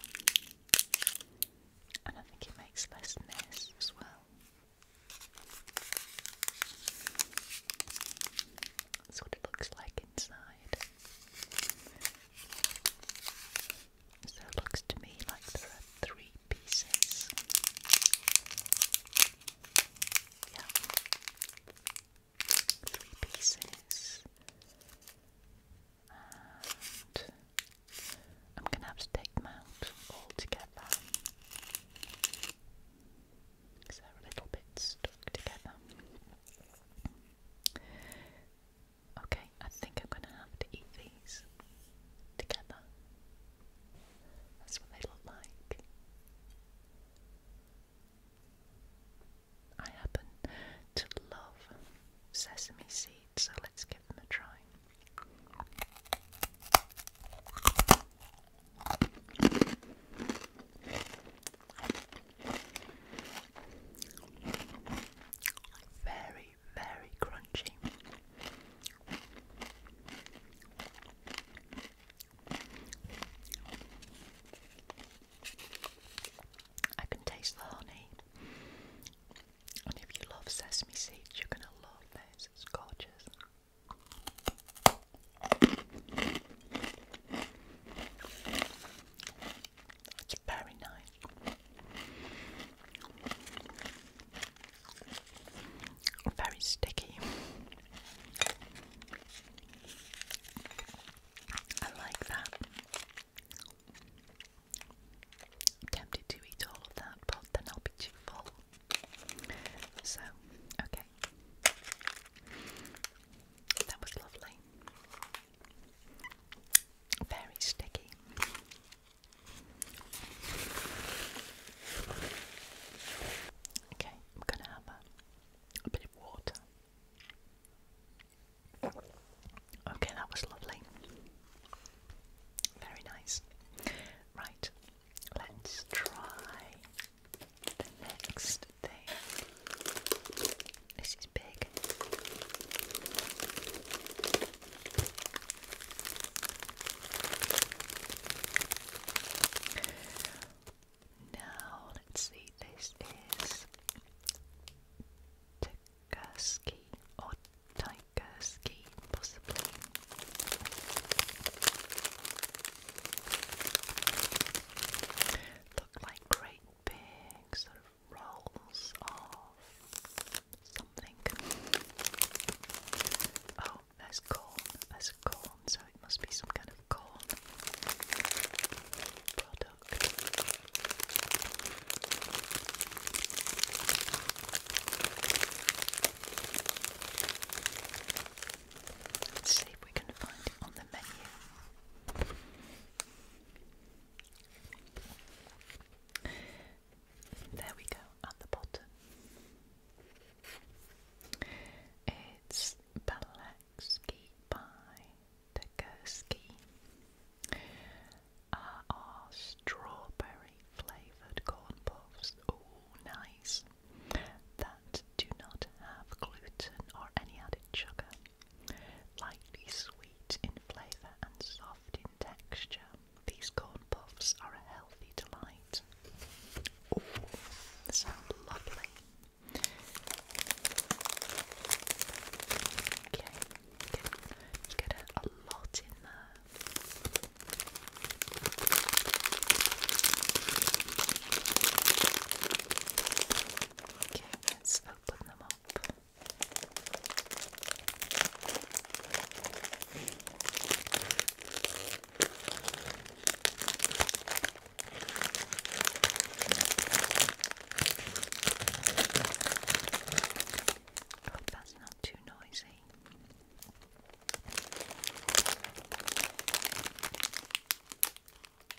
And I think it makes less mess as well. That's what it looks like inside. So it looks to me like there are three pieces. Yeah. Three pieces. And I'm going to have to take them out all together because they're a little bit stuck together. Okay, I think I'm going to have to eat these together. That's what they look like. I happen to love sesame seeds, so let's give them a try. Very, very crunchy. I can taste the honey, and if you love sesame seeds, you're going to love this. It's gorgeous. That's very nice. Very sticky. I like that. tempted to eat all of that, but then I'll be too full. So, okay. That was lovely. Very sticky. Okay, I'm gonna have a, bit of water. Okay, that was lovely. Very nice. Right, let's try next thing. This is big. Now let's see. This is Takaski or Tikaski, possibly looked like great big sort of rolls of something. Oh, there's corn. There's a corn, so it must be some kind of corn product. Let's see if we can find it on the menu. There we go, at the bottom. It's Baletsky by Tversky. Uh, our strawberry flavoured corn puffs. Oh, nice. That do not have gluten or any added sugar. Lightly sweet in flavour and soft in texture, these corn puffs are a healthy delight. Oh, lovely. Okay, get a lot in there. Okay, let's open them up. Hope that's not too noisy.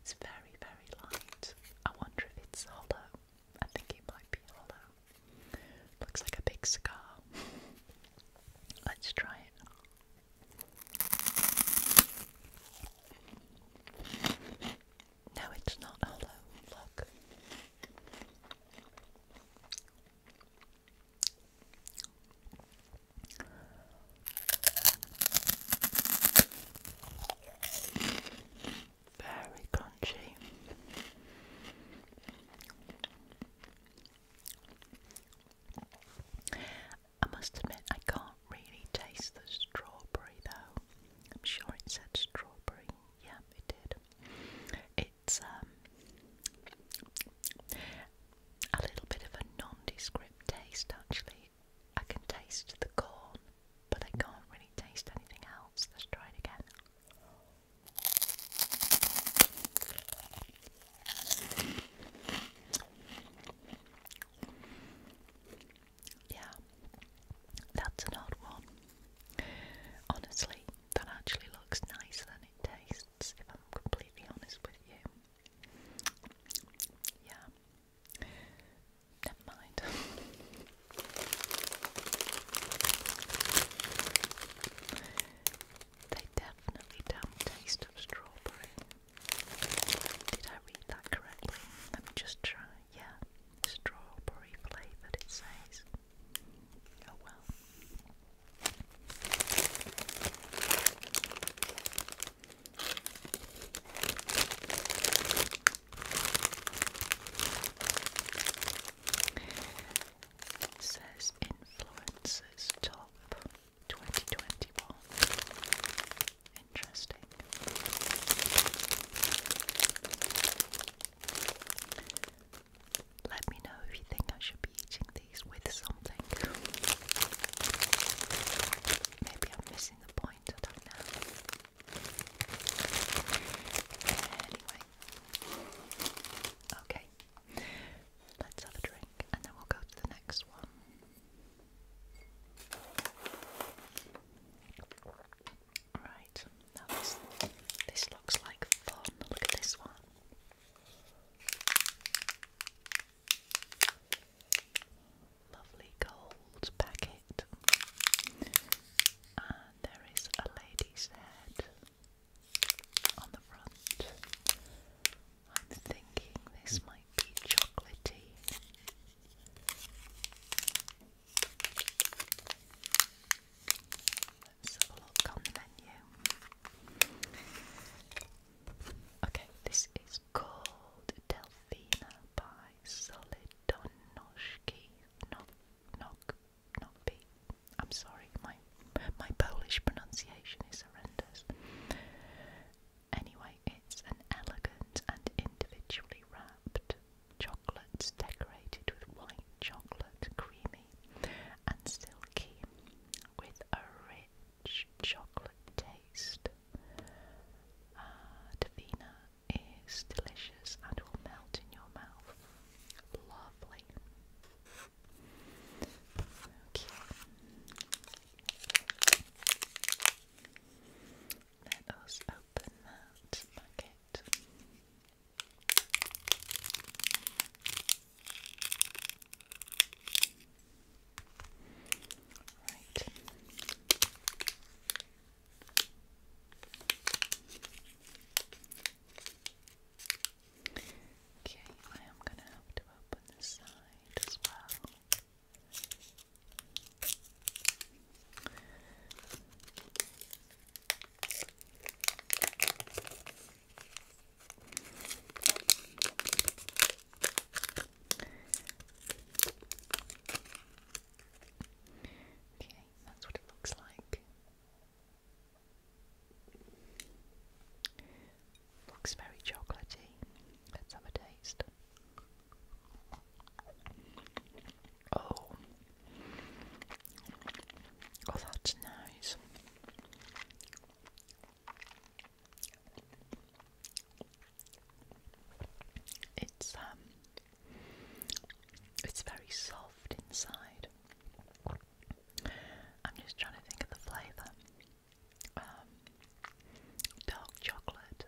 It's very, very light. I wonder if it's hollow. I think it might be hollow. Looks like a big scar. Let's try it. No, it's not hollow. Look. Very crunchy. I must admit, I can't really taste the strawberry though. I'm sure it said strawberry. Yeah, it did it's um, a little bit of a nondescript taste actually. I can taste the corn, but I can't really taste anything else. Let's try it again. Yeah, that's an odd one. Honestly, that actually looks nicer than it tastes if I'm completely honest with you. Yeah. Never mind. they definitely don't taste of strawberry. Did I read that correctly? Let me just try. Yeah, strawberry flavoured it says. Oh says influencers top 2021. Interesting. Let me know if you think I should be eating these with something. Maybe I'm missing the point, I do Anyway. Okay. Let's have a drink and then we'll go to the next one. Right, now this, this looks like fun. Look at this one. Lovely gold packet. And there is a lady's head on the front. I'm thinking this might be chocolatey. Okay, this is called Delphina by Solidonoshki. Nok, Nok, Nokpi. I'm sorry, my my Polish pronunciation is horrendous. Anyway, it's an elegant and individually wrapped chocolates decorated with white chocolate, cream creamy and silky with a rich chocolate taste. Ah, Davina is delicious and will melt in your mouth. Lovely. Okay. Let us open that packet. Right. Okay, I am going to have to open this side as well. Okay, that's what it looks like. Looks very chocolatey. Let's have a taste. Oh, oh, that's nice. It's um it's very soft inside. I'm just trying to think of the flavour. Um, dark chocolate.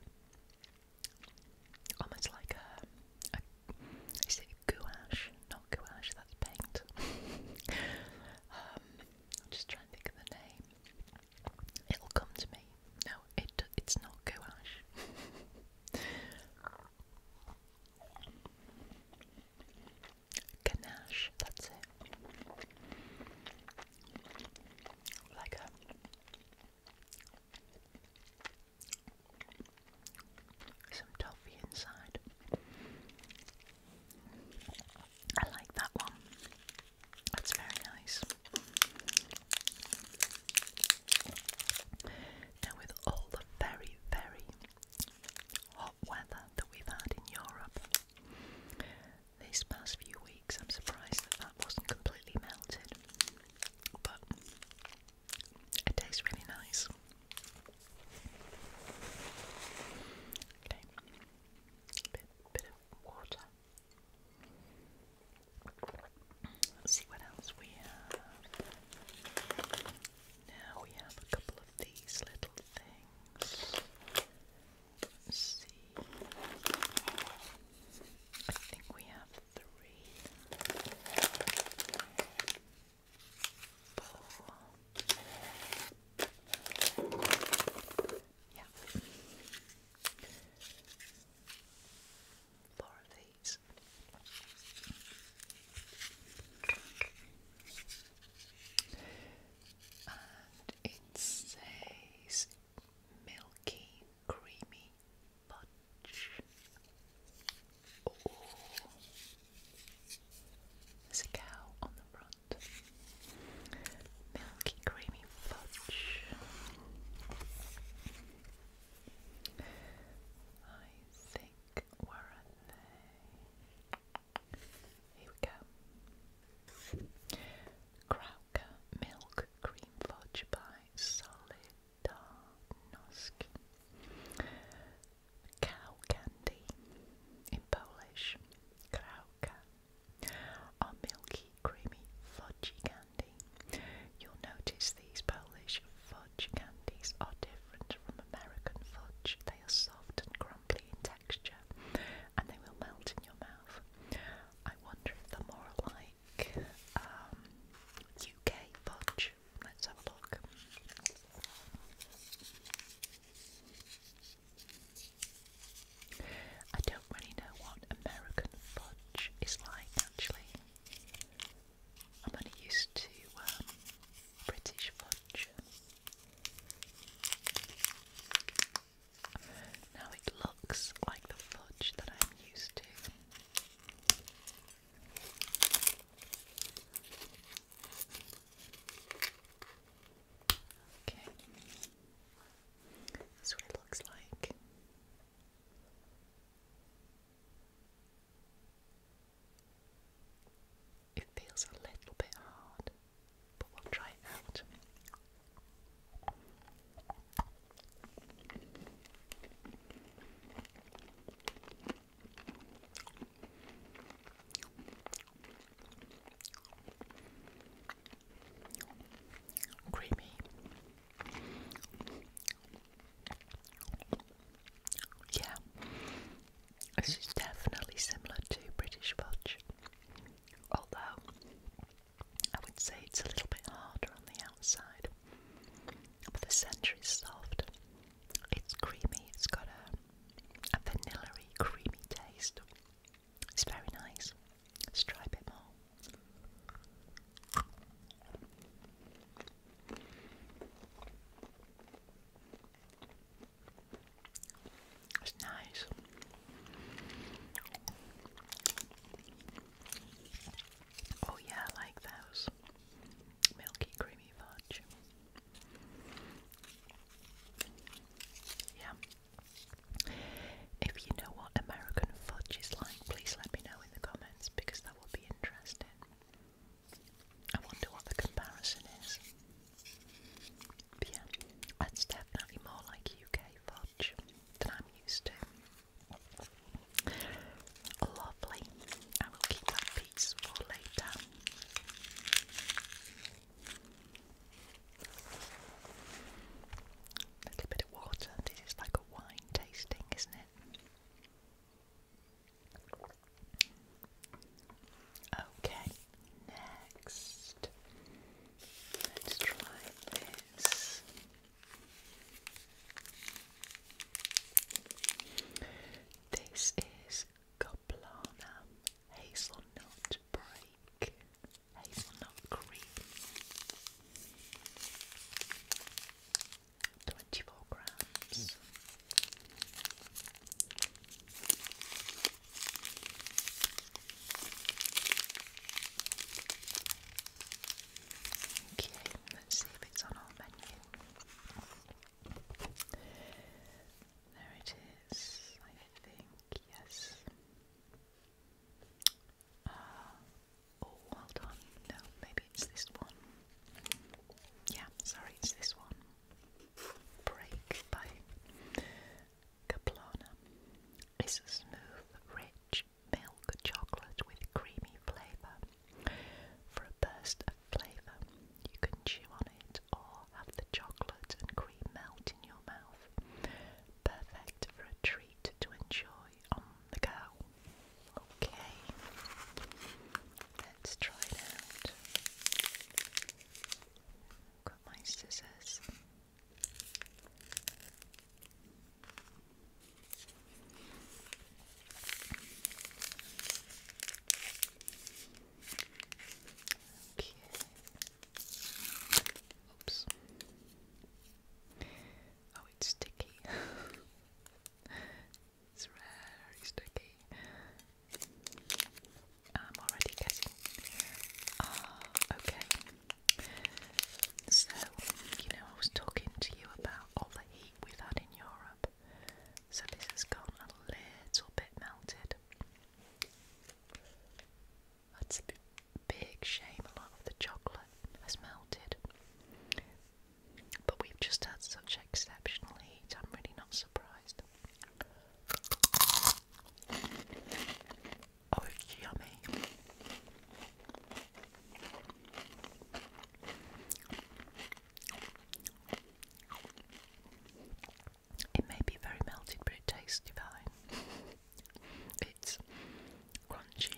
Almost like a, is it gouache? Not gouache, that's paint. [LAUGHS] Um, i am just trying to think of the name. It'll come to me. No, it it's not gouache. Ganache, that's it. Like a some toffee inside. I like that one. That's very nice. Now, with all the very, very hot weather that we've had in Europe these past few weeks, I'm surprised that that wasn't completely melted, but it tastes really nice. Okay bit, bit of water. Let's see what else we have. Now we have a couple of these little things. see. I think we have three. Four. Yeah. Four of these. And it says milky creamy fudge. There's a cow on the front. Milky creamy fudge. I think we're at Here we go. Krautker milk cream fudge by Solidarnosc. Cow candy in Polish. Cow are milky, creamy, fudgy candy. You'll notice these Polish fudge candies are different from American fudge. They are soft and crumbly in texture and they will melt in your mouth. I wonder if they more like UK um, fudge. Let's have a look. I don't really know what American fudge is like actually. I'm only used to um, British fudge. Now it looks like the fudge that I'm used to. Okay. That's what it looks like. It feels a little bit hard, but we'll try it out creamy, yeah. This is definitely similar to British fudge, although I would say it's a little bit harder on the outside. But the centre is soft, it's creamy, it's got a, a vanilla creamy taste. It's very nice. try a bit more. It's nice. Oh yeah, I like those. Milky creamy fudge. Yeah. If you know what American fudge is like, please let me know in the comments because that will be interesting. I wonder what the comparison is. yeah, that's definitely more like UK fudge than I'm used to. Lovely. I will keep that for later. A little bit of water. This is like a wine tasting, isn't it? Okay, next. Let's try this. This is Goblana Hazelnut Break hazelnut cream, 24 grams. Hmm. Okay, let's see if it's on our menu. There it is, I think yes. Uh, oh, hold on. No, maybe it's this one. Yeah, sorry, it's this one. Break by Kaplana is a smooth, rich milk chocolate with creamy flavour. For a burst of flavour, you can chew on it or have the chocolate and cream melt in your mouth. Perfect for a treat to enjoy on the go. Okay, let's try it out. Got my scissors. Okay. Oops. Oh, it's sticky. [LAUGHS] it's very sticky. I'm already guessing. Ah, okay. So, you know, I was talking to you about all the heat we've had in Europe. So this has gone a little bit melted. That's a big shame. A lot of the chocolate has melted. But we've just had such exceptional heat, I'm really not surprised. Oh, yummy. It may be very melted, but it tastes divine. [LAUGHS] it's crunchy,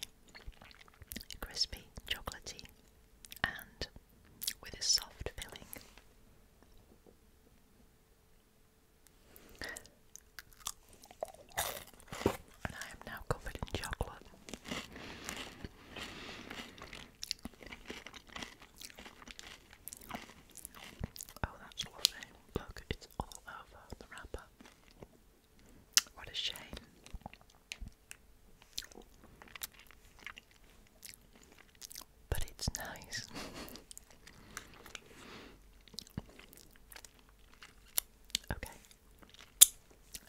crispy, chocolatey, and with a soft filling. And I am now covered in chocolate. Oh, that's lovely. Look, it's all over the wrapper. What a shame. But it's nice. [LAUGHS] okay.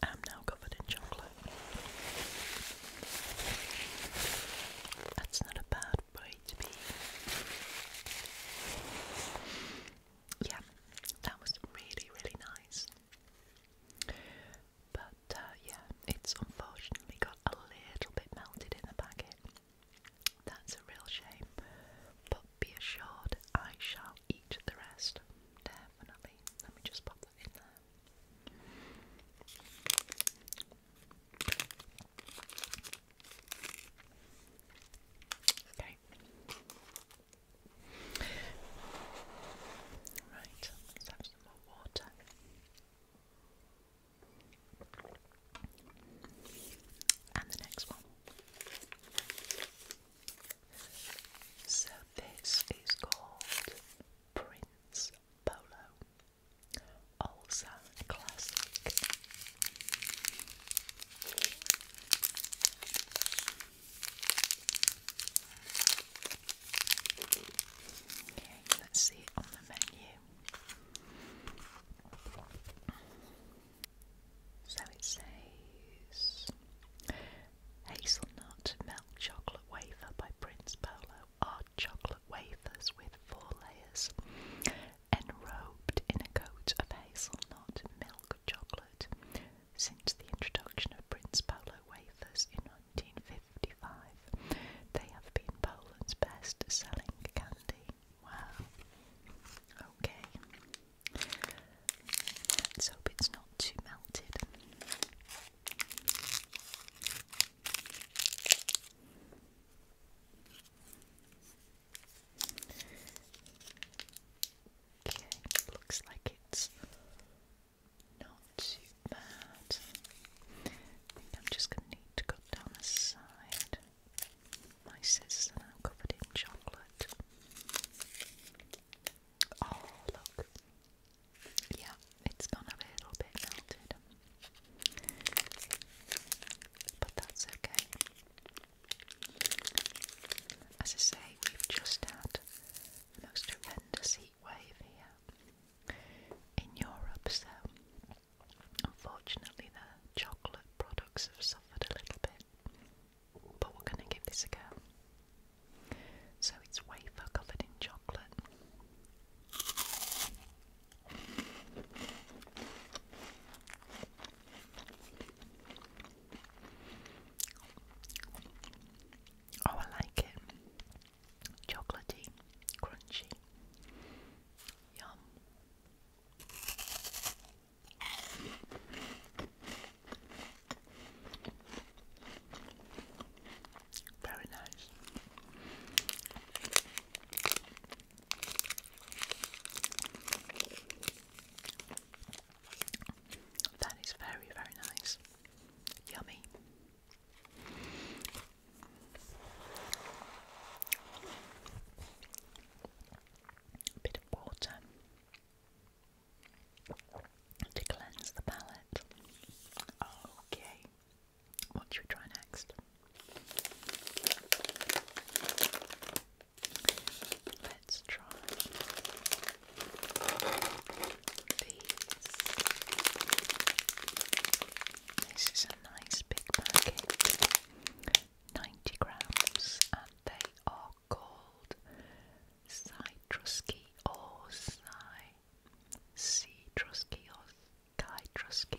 I'm now covered in chocolate. That's not a bad yeah, that was really, really nice. But uh, yeah, it's unfortunately got a little bit melted in the packet. That's a real shame. But be assured, I shall eat the rest. Definitely. Let me just pop that in there. Okay. Right, let's have some more water. And the next one. So this is called Prince Polo, also let's see it on the menu. So it says Hazelnut Milk Chocolate Wafer by Prince Polo. Are chocolate wafers with four layers enrobed in a coat of hazelnut milk chocolate since the introduction of Prince Polo wafers in 1955. They have been Poland's best selling candy. Wow. Okay. Let's hope it's not too melted. Okay, looks like it's not too bad. I am just going to need to cut down the side. My scissors are now covered in chocolate. Oh, look. Yeah, it's gone a little bit melted. But that's okay. As I say, we've just had the most horrendous heat here in Europe, so unfortunately the chocolate products have suffered a little bit, but we're going to give this a go. So it's wafer covered in chocolate. Oh, I like it. Chocolatey, crunchy, yum. Very nice. That is very, very nice. Yummy. bit of water to cleanse the palate. Okay, what should we try next? Let's try these. This is a nice big packet, 90 grams, and they are called Citrusky or Cy, Citrusky or Citrusky.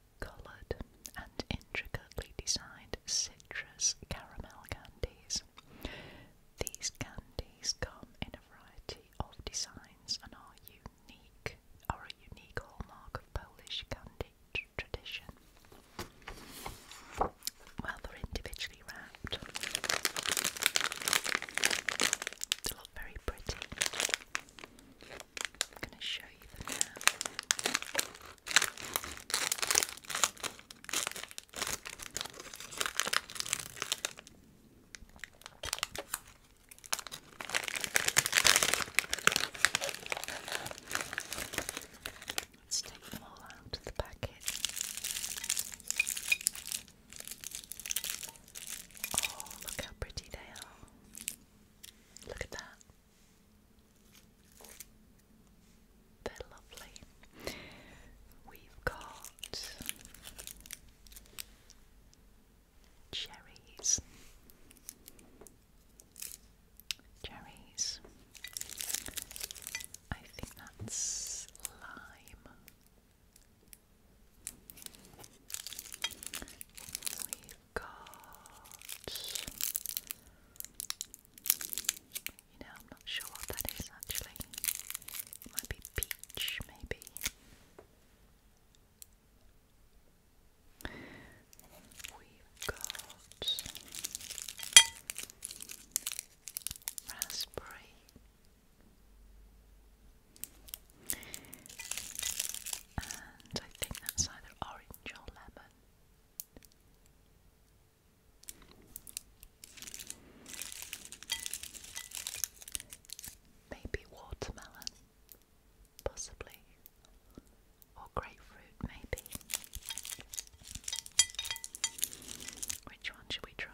coloured and intricately designed citrus caramel candies. These candies come in a variety of designs and are unique, are a unique hallmark of Polish candy tradition. Well, they're individually wrapped. They look very pretty. I'm going to show you them now. Let's take them all out of the packet. Oh, look how pretty they are. Look at that. They're lovely. We've got cherries. Cherries. I think that's lime. You know, I'm not sure what that is actually. It peach, maybe. We've got raspberry. And I think that's either orange or lemon. Maybe watermelon, possibly, or grapefruit, maybe. Which one should we try?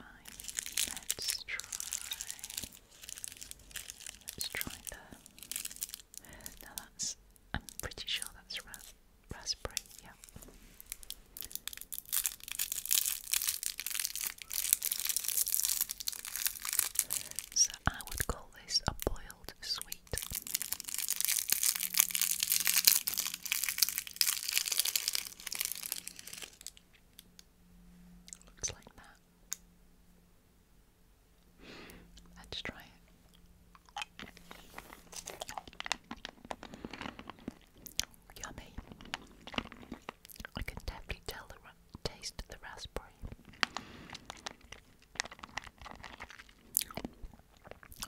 Let's try Let's try that. Now that's, I'm pretty sure that's raspberry, yeah. So I would call this a boiled sweet. Looks like that. Let's try it. Yummy. I can definitely taste the raspberry.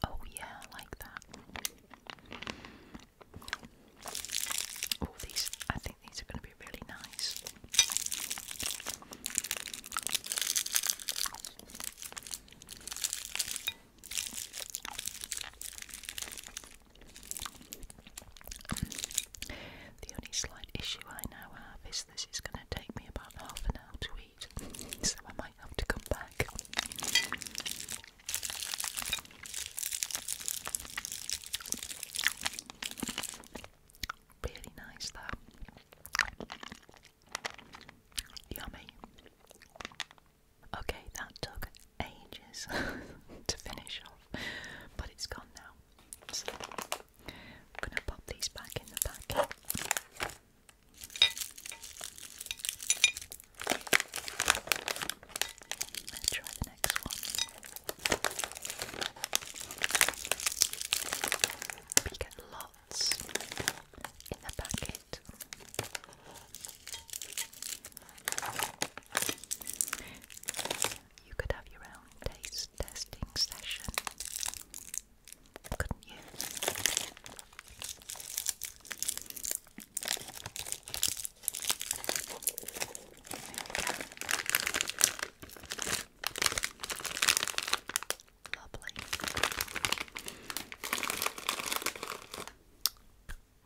Oh yeah, like that. Oh, these. I think these are going to be really nice. The only slight issue I now have is this is going to take me about half an hour to eat, so I might have to come back. Really nice that. Yummy. Okay, that took ages [LAUGHS] to finish off, but it's gone now. I'm gonna pop these back in the packet. Let's try the next one lots in the packet. You could have your own taste testing session, couldn't you?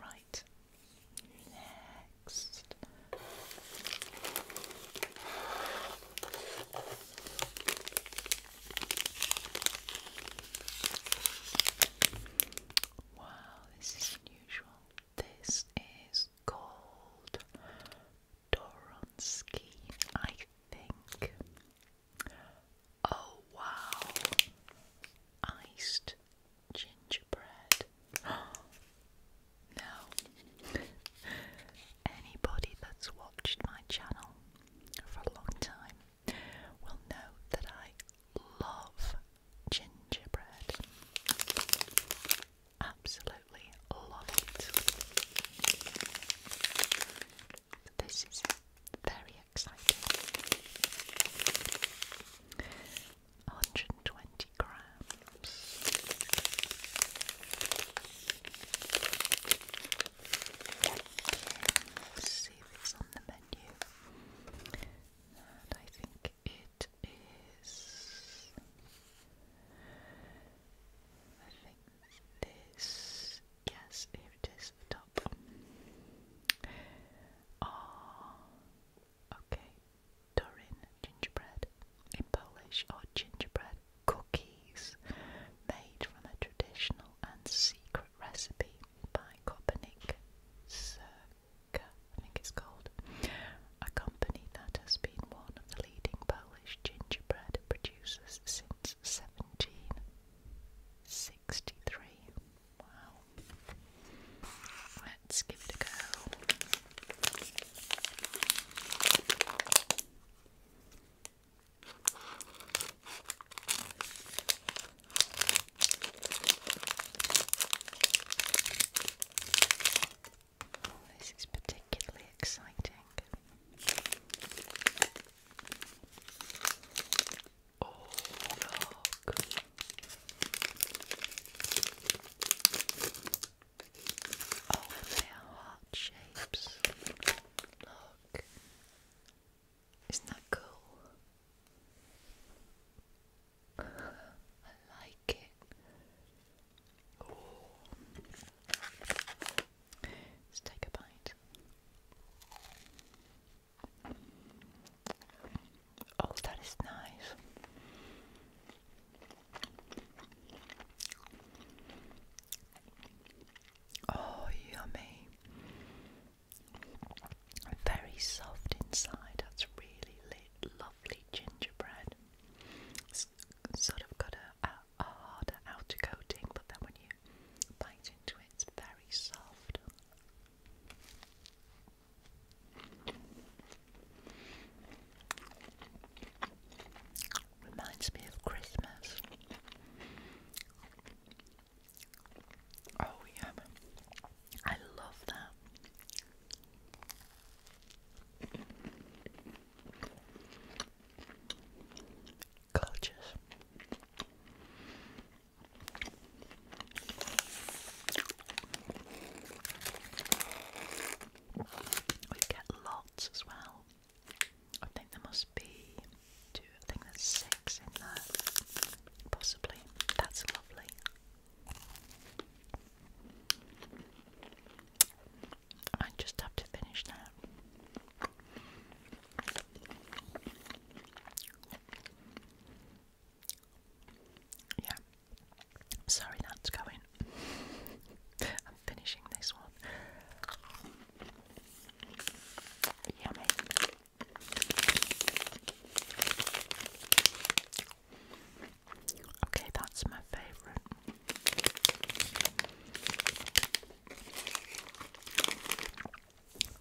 Right. Next. Wow, this is unusual. This is called Doronsky, I think. Oh wow, iced gingerbread. [GASPS] no, anybody that's watched my channel for a long time will know that I love gingerbread. Absolutely love it. This is very exciting. 120 grams. see if it's on the menu. And I think it is. I think this, yes, here it is, the top. Oh, okay, Turin gingerbread in Polish or gingerbread cookies made from a traditional and secret recipe by Kopernik Circa, I think it's called, a company that has been one of the leading Polish gingerbread producers since 1763. Wow. Let's give it a go. This is particularly exciting. Orc. Oh, they are heart shapes. Look. Isn't that cool? I like it. Let's take a bite. Oh, that is nice. Oh, yummy. Very soft inside. That's really lovely gingerbread. sort of got a a harder outer coating, but then when you bite into it, it's very soft. Reminds me of Christmas. Oh, yeah, I love that. Gorgeous. We get lots as well. I think there must be two, I think there's six in there, possibly. That's lovely. I might just have to finish that. Yeah. Sorry, that's going. [LAUGHS] I'm finishing this one. Yummy. Okay, that's my favourite. Oh,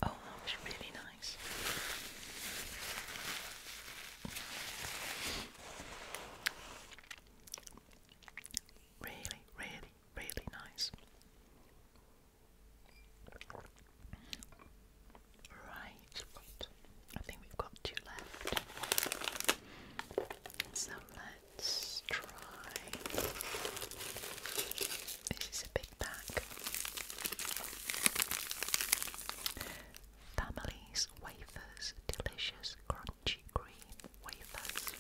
that was really nice. Really, really, really nice. Right, I think we've got two left. So let's try. This is a big bag. Families wafers, delicious crunchy green wafers.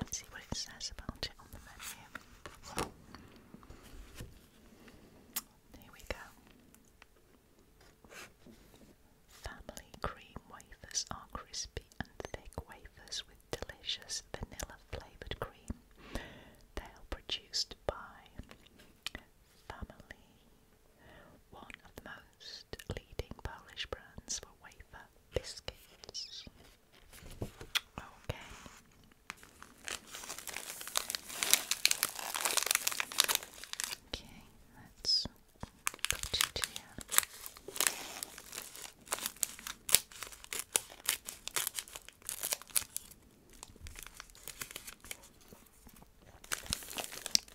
Let's see what it says about it on the menu. There we go. Family cream wafers are crispy and thick wafers with delicious vanilla flavoured cream. They are produced by Family, one of the most leading Polish brands for wafer biscuits. Okay. Okay, let's go to here.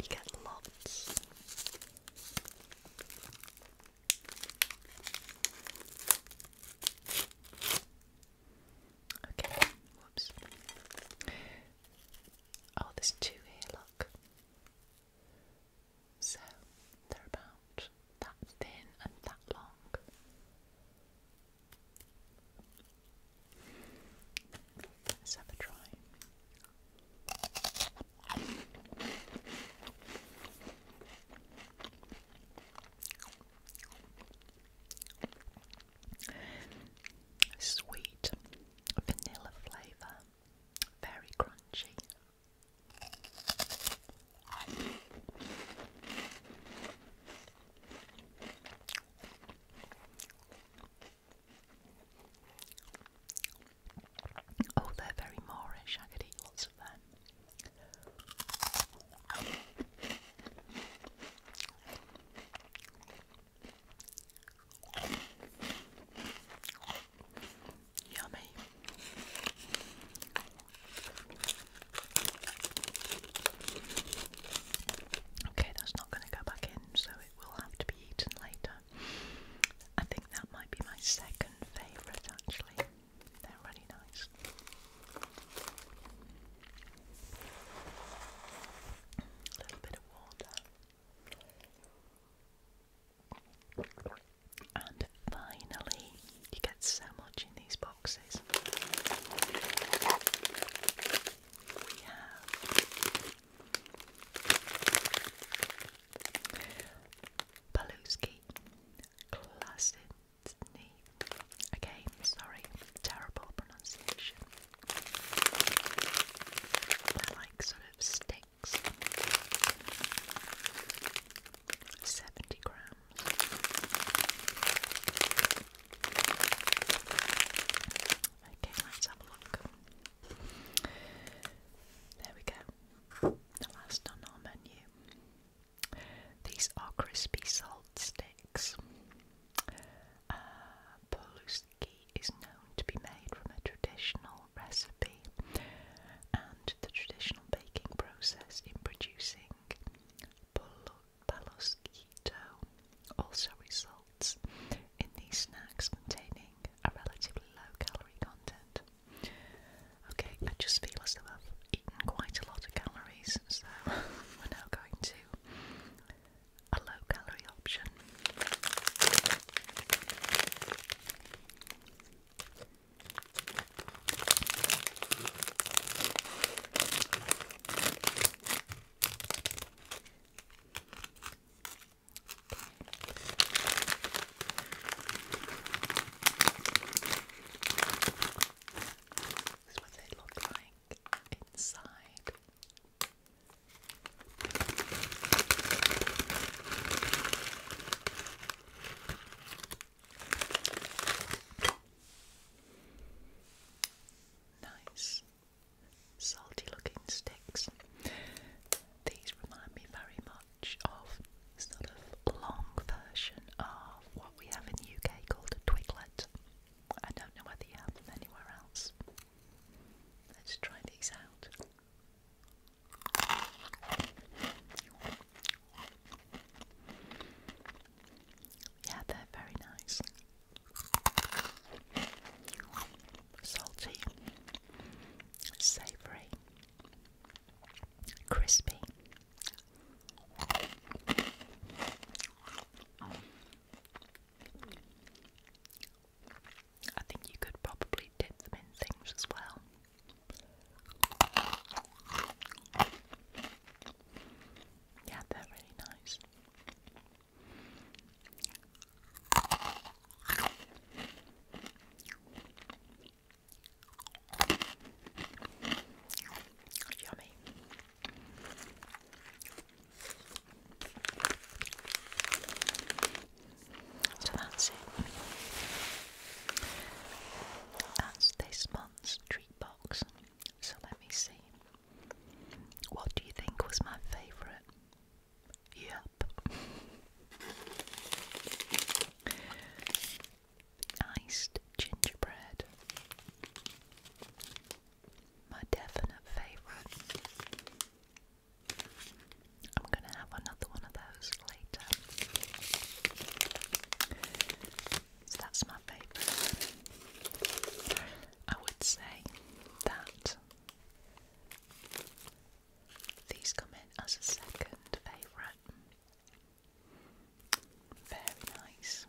You get lots. Okay, whoops. Oh, there's two here, look. So, they're about that thin and that long. Let's have a try. Sweet vanilla flavour, very crunchy. Oh, they're very Moorish. I could eat lots of them. Yummy. Okay, that's not going to go back in, so it will have to be eaten later. I think that might be my second favourite actually they really nice. A little bit of water. And finally, you get so much in these boxes. Paluski, classic Courtney. Okay, sorry, terrible pronunciation. They're like sort of sticks. 70 grams. Okay, let's have a look. There we go. The last on our menu. These are crispy salt sticks. Uh, Poluski is known to be made from a traditional recipe and the traditional baking process in producing Poluski dough also results in these snacks containing a relatively low calorie content. Okay, I just feel as though I've eaten quite a lot of calories so we're now going to a low calorie option is what they look like inside. Nice, salty looking sticks. These remind me very much of sort of long version of what we have in the UK called a twiglet. I don't know whether you have them anywhere else. Let's try these out. Yeah, they're very nice. Salty, savoury, crispy. I think you could probably dip them in things as well. Yeah, they're really nice. Yummy. So that's it. That's this month's treat box. So let me see. What do you think was my favourite? Yep. Iced gingerbread. My definite favourite. I'm going to have another one of those later. So that's my favourite. I would say that these come in as a second favourite. Very nice.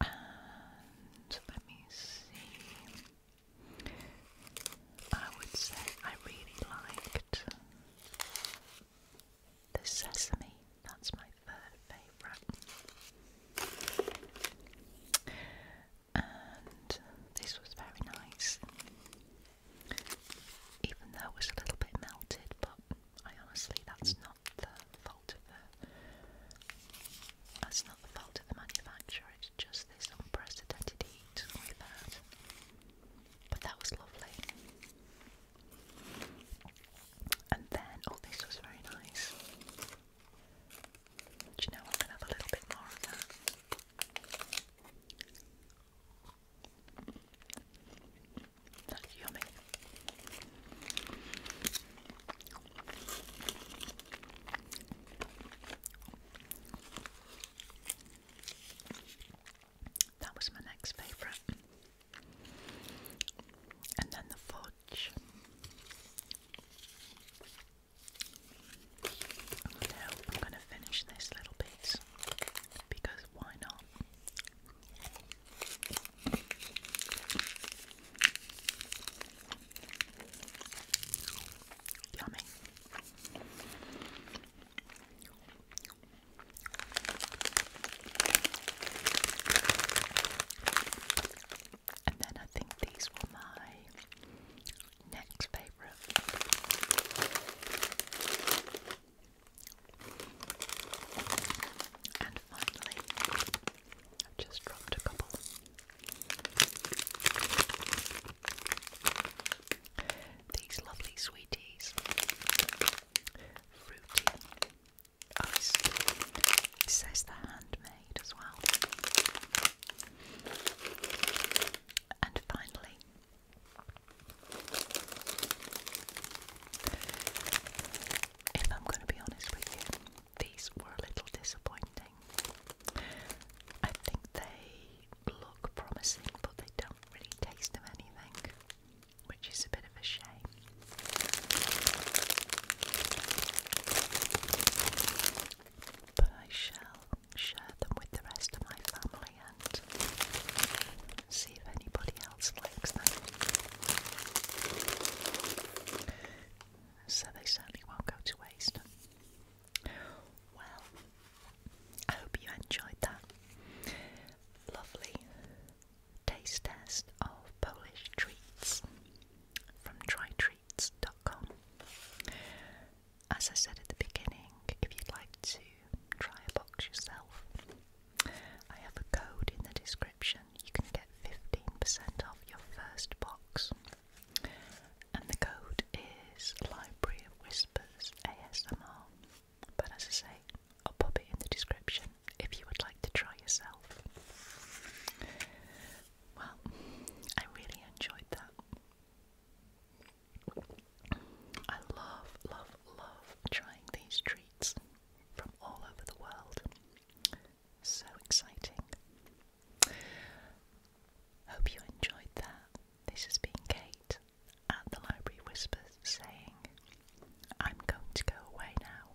And let me see. I would say I really liked the sesame. That's my third favourite. And this was very nice. Even though it a little bit melted, but I honestly, that's not the fault of the. That's not the fault of the manufacturer. It's just this unprecedented heat we've But that was lovely. And then, oh, this was very nice. Do you know I'm gonna have a little bit more of that? That was my next favourite. And then the fudge. Now I'm going to finish this little piece because why not? Yummy. And then I think these were my next favourite. And finally, I've just dropped a couple. These lovely sweeties, fruity. it says they're handmade as well. And finally, if I'm going to be honest with you, these were a little disappointing. I think they look promising, but they don't really taste of anything, which is a bit of a shame. But I shall share them with the rest of my family hand. See if anybody else likes them. So they certainly won't go to waste. Well, I hope you enjoyed that lovely taste test of Polish treats from trytreats.com. As I said at the beginning, if you'd like to try a box yourself, I have a code in the description. You can get 15% off your first box. And the code is Library of Whispers ASMR. But as I say, I'll pop it in the description if you would like to try yourself. Well, I really enjoyed that. I love, love, love trying these treats from all over the world. So exciting. Hope you enjoyed that. This has been Kate at the Library Whispers saying, I'm going to go away now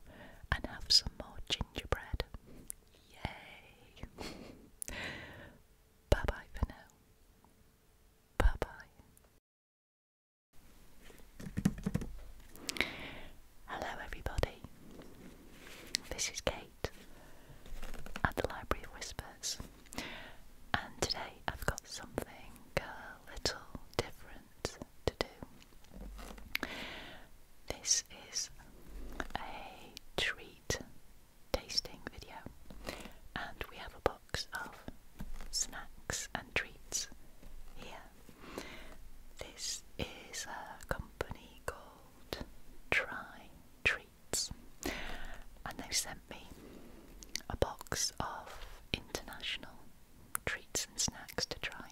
and have some more gingerbread. Yay! [LAUGHS] bye bye for now. Bye bye. Hello, everybody. This is Kate at the Library of Whispers, and today I've got something a little different to do. This is a treat tasting video, and we have a book of snacks and treats here. This is a company called Try Treats, and they sent me a box of international treats and snacks to try.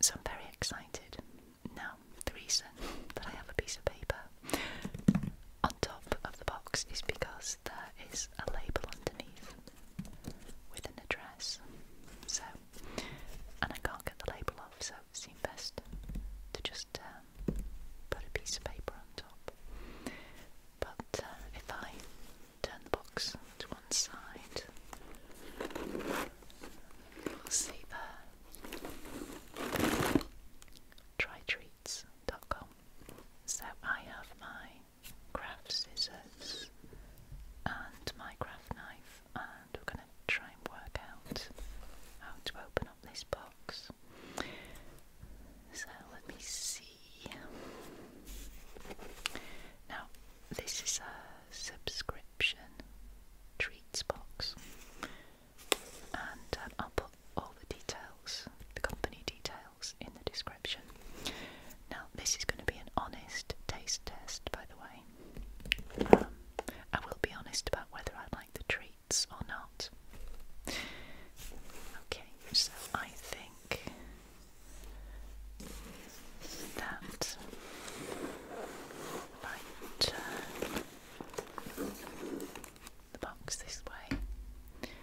So I'm very excited. Now, the reason that I have a piece of paper on top of the box is because there is a label underneath with an address. So, and I can't get the label off, so it seemed best to just um, put a piece of paper on top. But uh, if I turn the box to one side, you'll see there. Trytreats.com. So I have my craft scissors and my craft knife and we're going to try and work out how to open up this box. So let me see. Now this is a subscription treats box and uh, I'll put all the details, the company details in the description. Now, this is going to be an honest taste test, by the way. Um, I will be honest about whether I like the treats or not. Okay, so I think that I turn uh, the box this way, and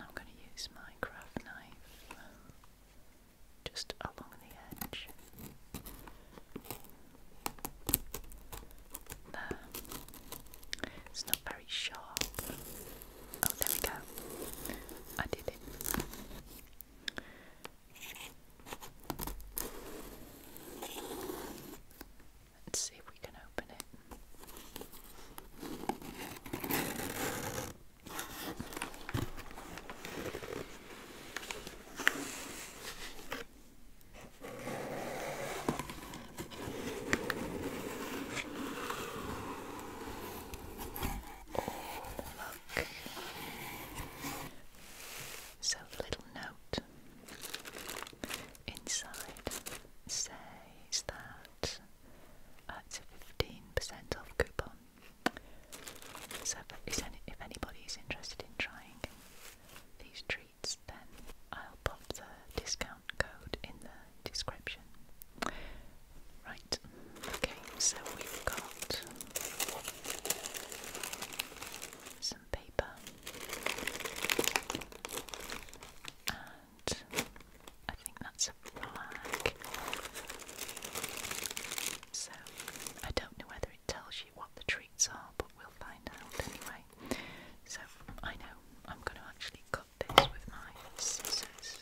I'm going to use my craft knife just along the edge. There. It's not very sharp. Oh, there we go. I did it. Let's see if we can open it. Oh, look. So little note inside says that uh, it's a 15% off coupon so if, anybody is interested in trying these treats, then I'll pop the discount code in the description. Right, okay, so we've got some paper and I think that's a flag. So, I don't know whether it tells you what the treats are, but we'll find out anyway. So, I know I'm going to actually cut this with my scissors.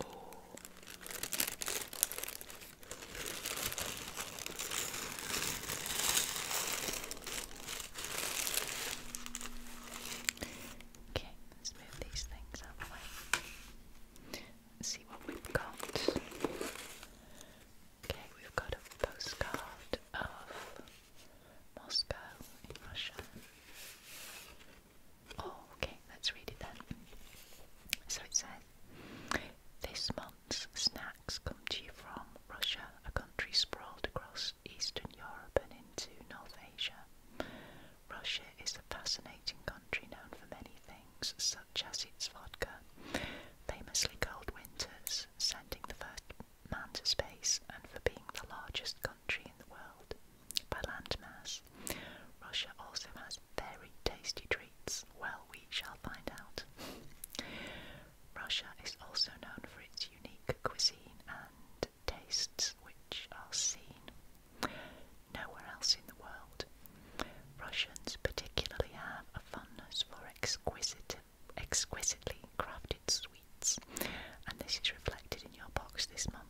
Oh, Okay, let's move these things out see what we've got. Okay, we've got a postcard of Moscow Russia. Oh, okay, let's read it then. So it says this month's snacks come to you from Russia, a country sprawled across Eastern Europe and into North Asia. Russia is a fascinating country known for many things, such as its vodka, famously cold winters, sending the first man to space, and for being the largest country in the world by land mass. Russia also has very tasty treats. Well, we shall find out. Russia is also known for its unique cuisine and tastes, which are seen nowhere else in the world. Russians particularly have a fondness for exquisite, exquisitely crafted sweets, and this is reflected in your box this month.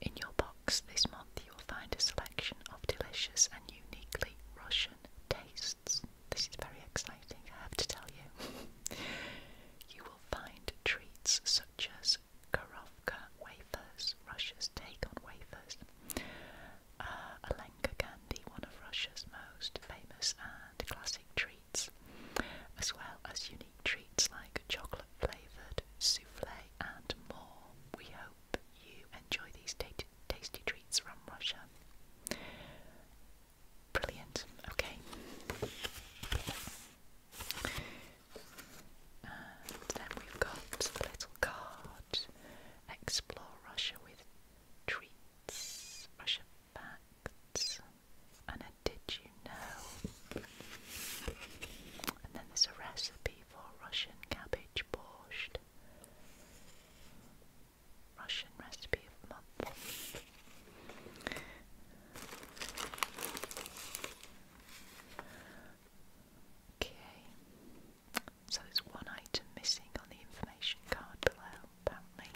In your box this month, you will find a selection of delicious and uniquely Russian tastes. This is very exciting, I have to tell you. [LAUGHS] you will find treats such as Korovka wafers, Russia's take on wafers, uh, Alenka candy, one of Russia's most famous and classic treats, as well as unique treats like chocolate flavoured souffle and more. We hope you enjoy these tasty treats from Russia. Brilliant, okay. then we've got the little card Explore Russia with treats, Russia facts, and a did you know? And then there's a recipe for Russian cabbage borscht. Russian recipe of month. Okay, so there's one item missing on the information card below, apparently.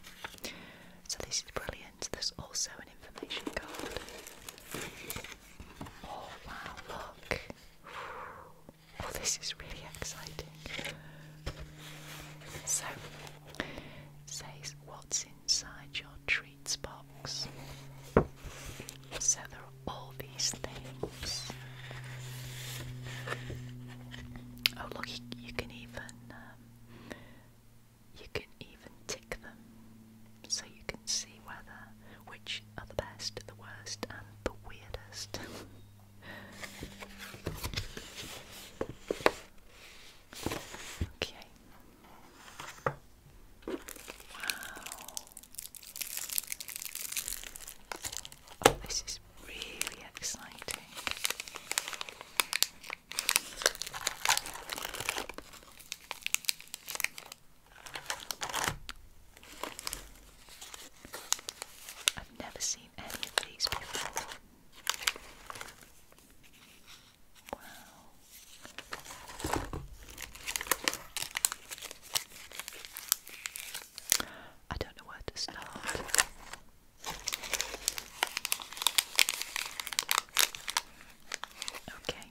So this is brilliant. There's also an information card. Oh wow, look. Oh, this is really exciting. So, it says what's inside your treats box. So, there are all these things. Oh, look, you, can even. Um, you can even tick them, so you can can see whether which are the best, the worst, and the weirdest. okay. Wow. Oh, this is really exciting. I've never seen any of these before. Wow. I don't know where to start. Okay,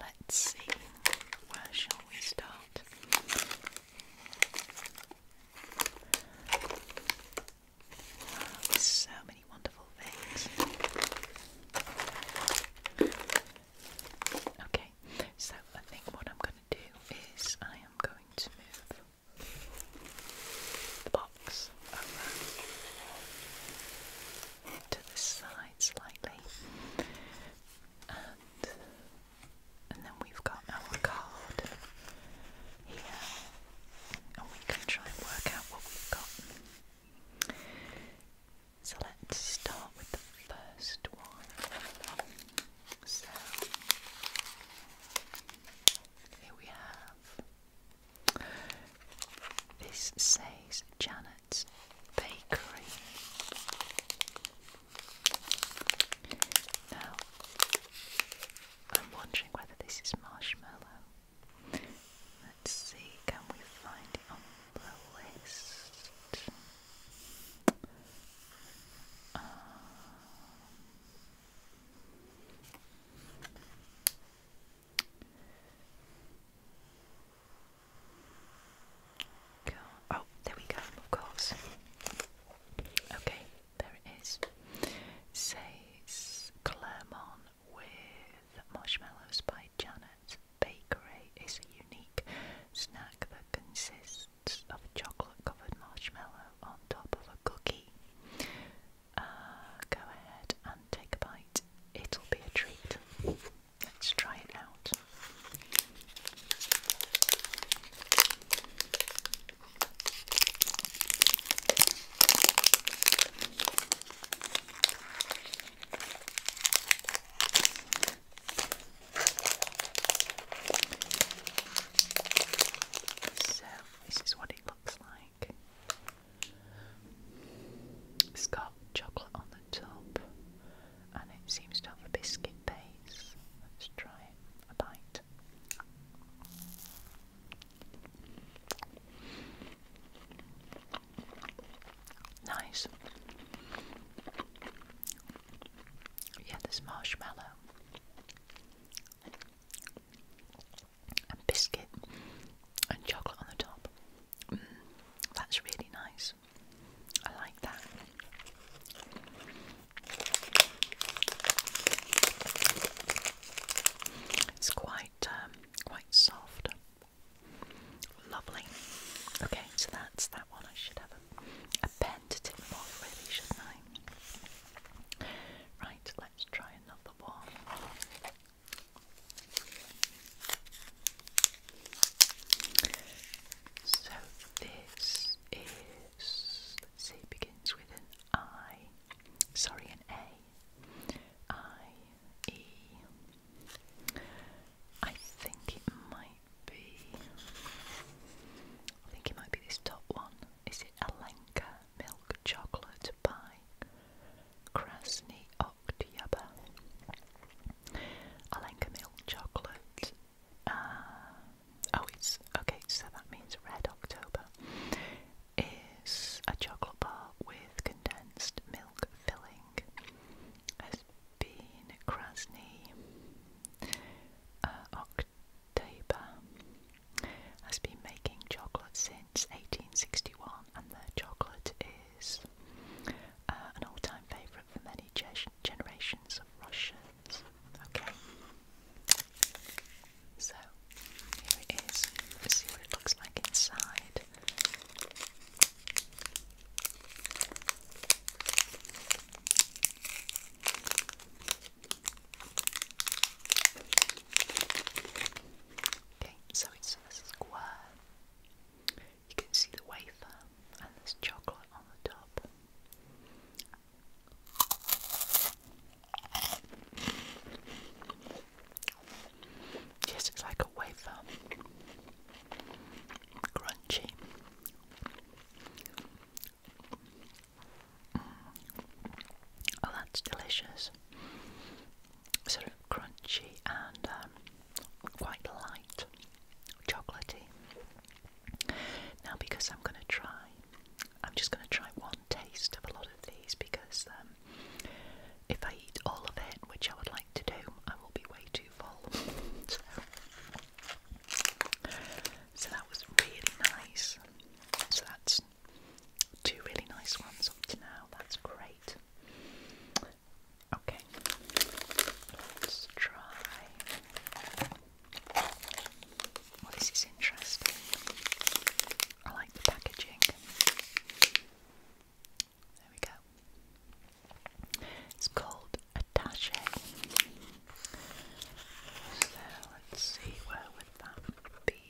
let's see. Where shall we start? so many wonderful things. Okay, so I think what I'm going to do is I am going to move the box over to the side slightly and, then we've got our card here, and we can try and work out what we've got. So let's start with the first one. So here we have. This says Janet Bakery. Now, I'm wondering whether this is marshmallow. Let's see, can we find it on the list? Um, Oh, there we go, of course. Okay, there it is. Says Claremont with marshmallows by Janet. Bakery is a unique snack that consists of chocolate covered marshmallow on top of a cookie. Uh, go ahead and take a bite. It'll be a treat. Let's try it out. So, this is what it looks like. It's got chocolate on the top, and it seems to have a biscuit base. Let's try it. A bite. Nice. Yeah, there's marshmallow and biscuit and chocolate on the top. Mm, that's really nice. I like that. It's quite um, quite soft. Lovely. Okay, so that's that one. I should have a, pen to tip them off, really, Right, let's try another one. So this is, it begins with an I, sorry, an A. I, E. I think it might be, I think it might be this top one. Is it Alenka Milk Chocolate by Krasny Oktyaba? Alenka Milk Chocolate uh, oh, it's okay, so that means Red October is a chocolate bar with condensed milk filling. Has been Krasny uh, October has been making chocolate since 1861, and their chocolate is uh, an all-time favourite for many generations of Russians. Okay, so here it is. Let's see what it looks like inside. Okay, so it's a square you can see the wafer and there's chocolate on the top. Yes, it's like a wafer. Crunchy. Oh, that's delicious. Sort of crunchy and um, quite light, chocolatey. Now, because I'm going to try, I'm just going to try one taste of a lot of these because um, if I eat all of it, which I would like to do, I will be way too full. [LAUGHS] so that was really nice. So that's two really nice ones up to now. That's great. Okay, let's try. Oh, this is interesting. I like the packaging. There we go. It's called Attaché. So let's see, where would that be?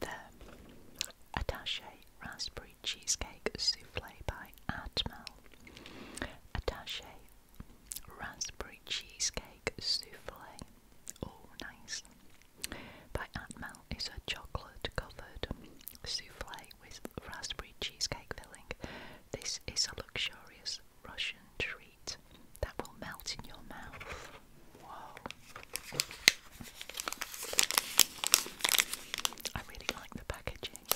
There. Attaché Raspberry Cheesecake Souffle by Atmel. Attaché Raspberry Cheesecake Souffle. Oh, nice. By Atmel is a chocolate covered souffle with raspberry cheesecake filling. This is a luxurious Russian treat that will melt in your mouth. Wow. I really like the packaging. Let's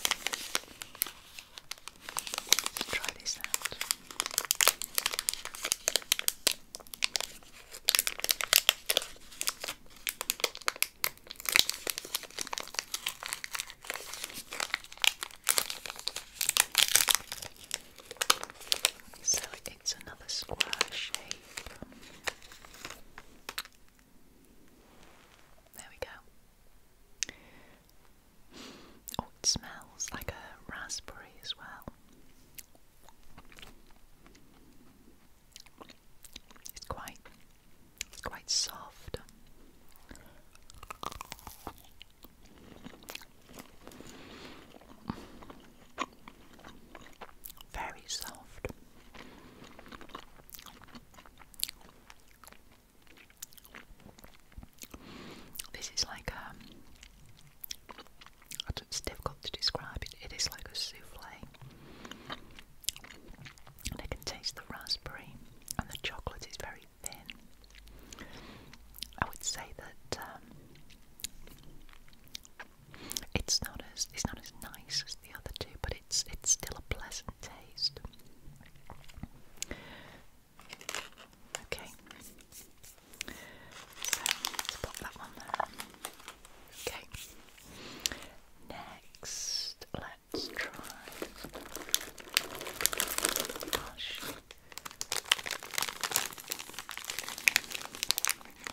try this out. So it's another square shape. There we go. Oh, it smells like a raspberry as well. It's quite it's quite soft. Very soft. This is like um, it's difficult to describe. it is like a souffle, and I can taste the raspberry, and the chocolate is very thin. I would say that um, it's not as it's not as nice as the other two, but it's it's still a pleasant taste. Okay. let's pop that one there. Okay. Next, let's try.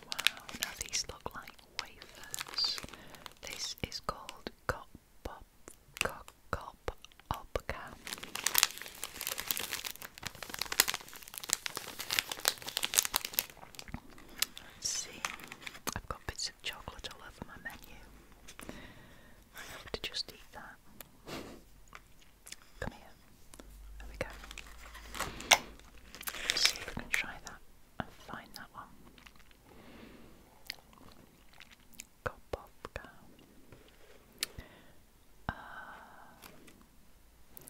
Wow, now these look like wafers. This is called Cop Pop cop, cop, opca. see. I've got bits of chocolate all over my menu. I have to just eat that. Come here. There we go. see if we can try that and find that one. Kopovka. Uh,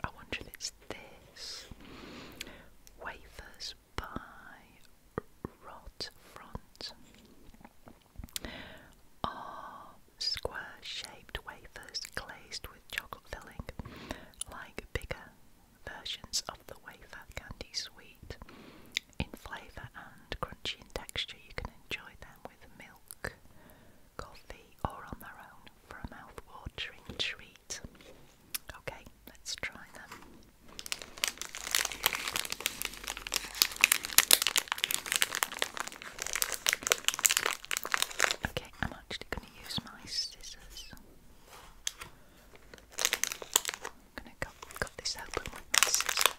I wonder if it's this. Wafers by Rot are square shaped wafers glazed with chocolate filling, like bigger versions of the wafer candy sweet in flavour and crunchy in texture. You can enjoy them with milk, coffee, or on their own for a mouth-watering treat. Okay, let's try them. Okay, I'm actually going to use my scissors. I'm gonna go, cut this open with my scissors.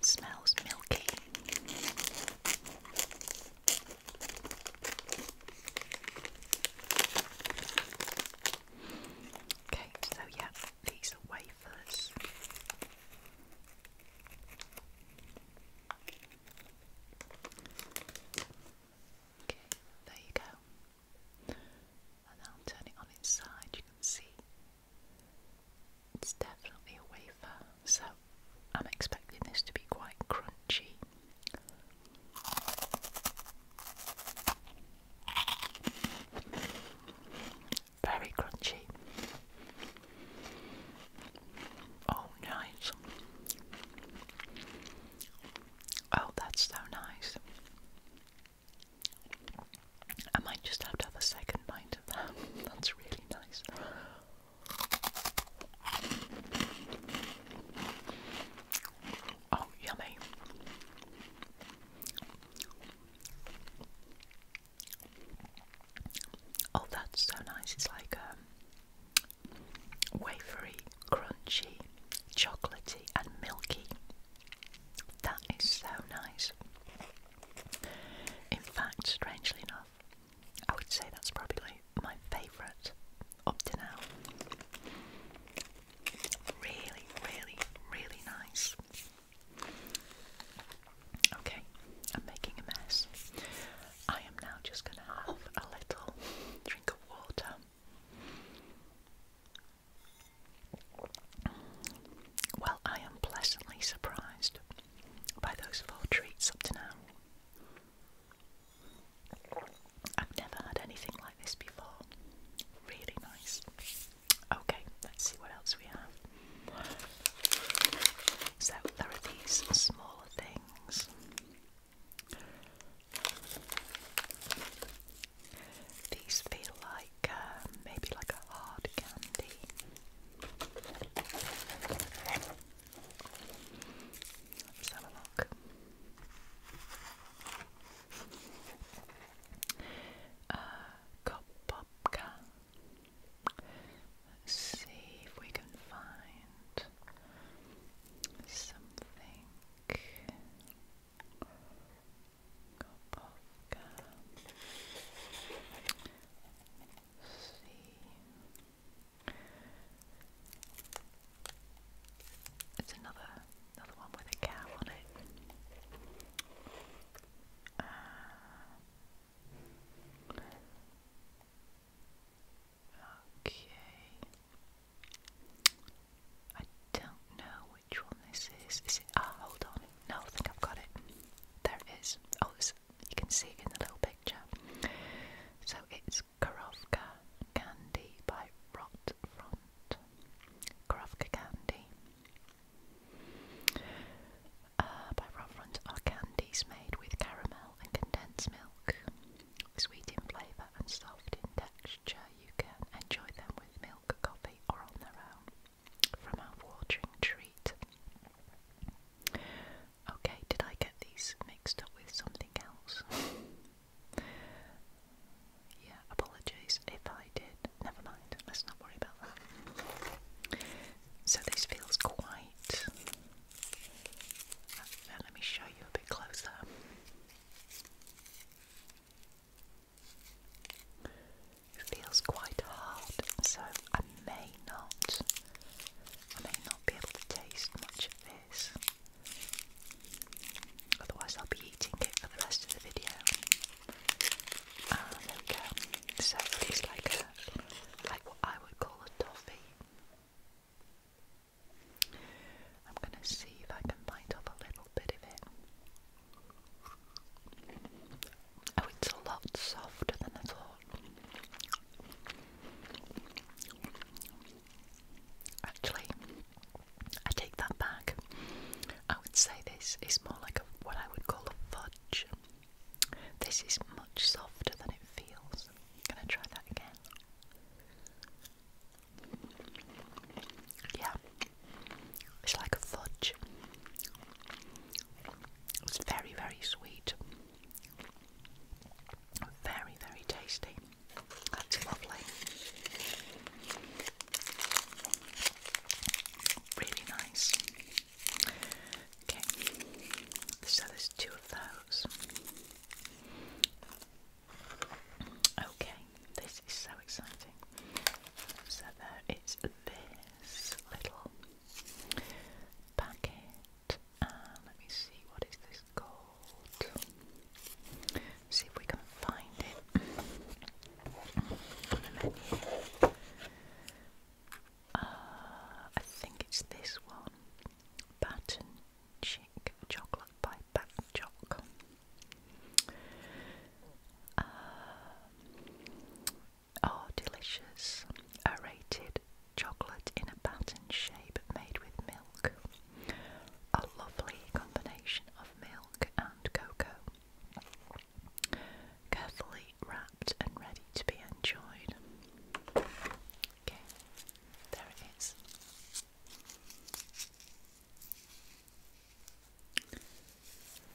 smells milky. Okay, so yeah, these are wafers. there you go. And i turn it on its side, you can see it's definitely a wafer. So I'm expecting this to be quite crunchy. Very crunchy. Oh, nice. Oh, that's so nice. I might just have to have a second bite of that. [LAUGHS] That's really nice. Oh, yummy. Oh, that's so nice. It's like um, crunchy, chocolatey, and milky. That is so nice. In fact, strangely enough, I would say that's probably my favourite up to now. Really, really, really nice. Okay, I'm making a mess. I am now just going to have a little drink of water. Well, I am pleasantly surprised by those four treats up to now. I've never had anything like this before. Really nice. Okay, let's see what else we have. So there are these smaller things. These feel like uh, maybe like a hard candy. Let's have a look. Kopopka. Uh, see if we can find something. Kopopka. see. It's another another one with a cow on it. Uh, okay. I don't know which one this is. Is it? Ah, hold on. No, I think I've got it. There Oh, you can see it in the little picture. So it's is Candy by Rot Front. Karofka Candy. Uh, by Rot Front are candies made with caramel and condensed milk. Sweet in flavour and soft in texture. You can enjoy them with milk, coffee, or on their own. From our watering treat. Okay, did I get these mixed up with something else? yeah, apologies if I did. Never mind, let's not worry about that. So, this feels quite. Uh, let me show you a bit closer. It feels quite hard, so I may not, I may not be able to taste much of this. Otherwise, I'll be eating it for the rest of the video. Ah, there we like like what I would call a toffee. I'm going to see if I can bite off a little bit of it. Oh, it's a lot softer than I thought. Actually, I take that back. I would say this is more like what I would call a fudge. This is much softer than it feels. gonna try that again. Yeah, it's like a fudge. It's very, very sweet. Very, very tasty. That's lovely. Really nice. Okay, so there's two of those. Okay, this is so exciting. So there is this little package. Um, let me see what is this called. See if we can find it on the menu. Uh, I think it's this one, Baton Chick Chocolate by Bat Choc. Uh, oh, delicious! I chocolate in a pattern shape made with milk. A lovely combination of milk and cocoa. Carefully wrapped and ready to be enjoyed. Okay, there it is.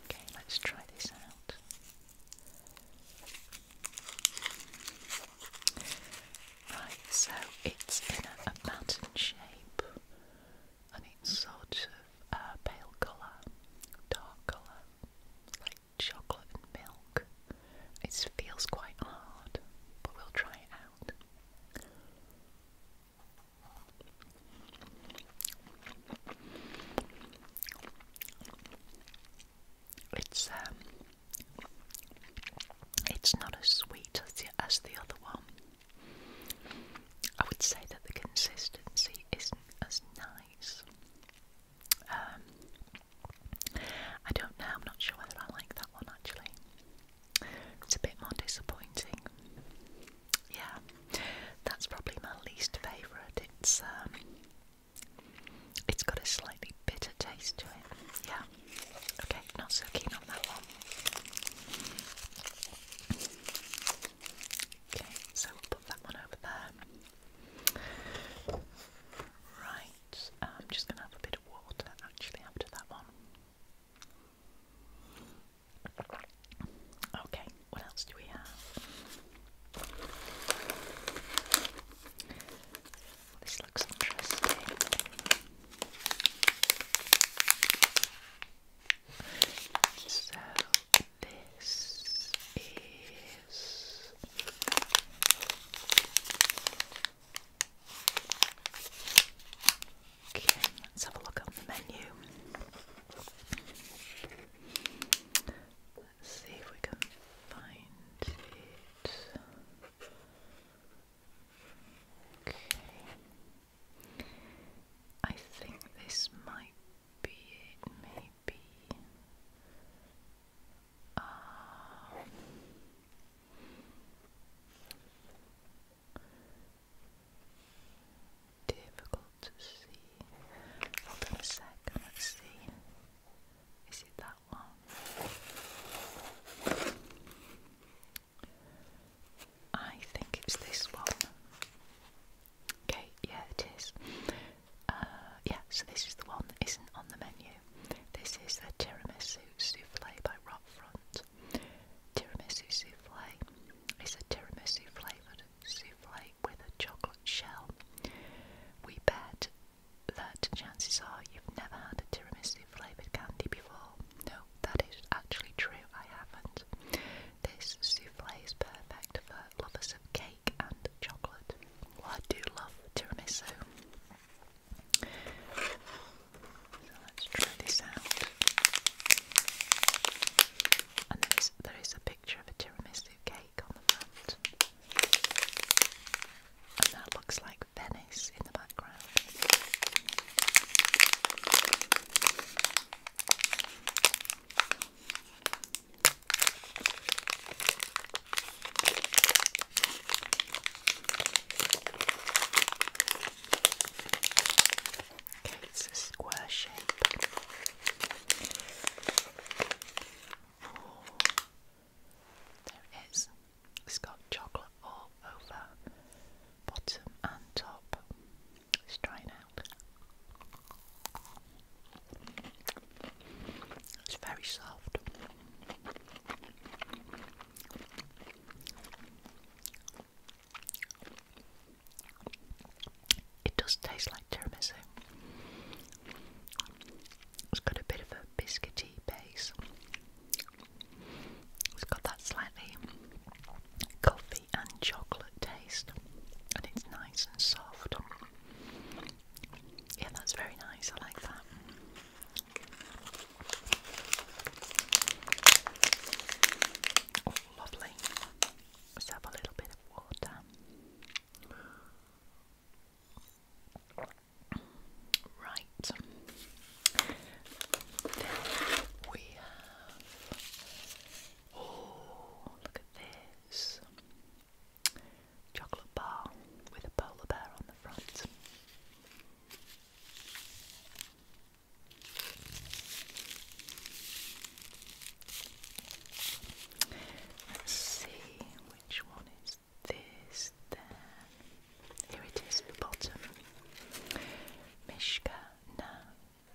Okay, let's try this out. Right, so it's in a, mountain shape and it's sort of a uh, pale colour, dark colour, like chocolate and milk. It feels quite hard, but we'll try it out. It's um it's not as sweet as the, other one. I would say that the consistency isn't as nice. Um, I don't know, I'm not sure whether I like that one actually. It's a bit more disappointing. Yeah, that's probably my least favourite. It's um, it's got a slightly bitter taste to it. Yeah, Okay, not so keen on that one. Okay, so we'll put that one over there. Right, I'm just going to have a bit of water actually after that one. Okay, what else do we have? This looks interesting. So this is Okay, let's have a look on the menu. Let's see if we can find it. Okay. I think this might be it, maybe. Ah. difficult to see. Hold on a sec, let's see. Is it that one? I think it's this one. Okay, yeah, it is. Uh, yeah, so this is the one that isn't on the menu. This is the tiramisu souffle by Rockfront. Tiramisu souffle is a tiramisu flavoured souffle with a chocolate shell. We bet that chances are you've never had a tiramisu flavoured candy before. No, that is actually true, I haven't. This souffle is perfect for lovers of cake and chocolate. I do love tiramisu. let's try this out. And there is, there is a picture of a tiramisu cake on the front and that looks like Venice in the background. Okay, it's a square there it is. It's got chocolate all over bottom and top. Let's try It's very soft. It does taste like tiramisu. It's got a bit of a biscuity base it's got that slightly coffee and chocolate taste, and it's nice and soft. Yeah, that's very nice. I like that. lovely. Let's have a little bit of water. Right right. we have. Oh, look at this. Chocolate bar with a polar bear on the front. Let's see which one is this there. Here it is at the bottom. Mishka No.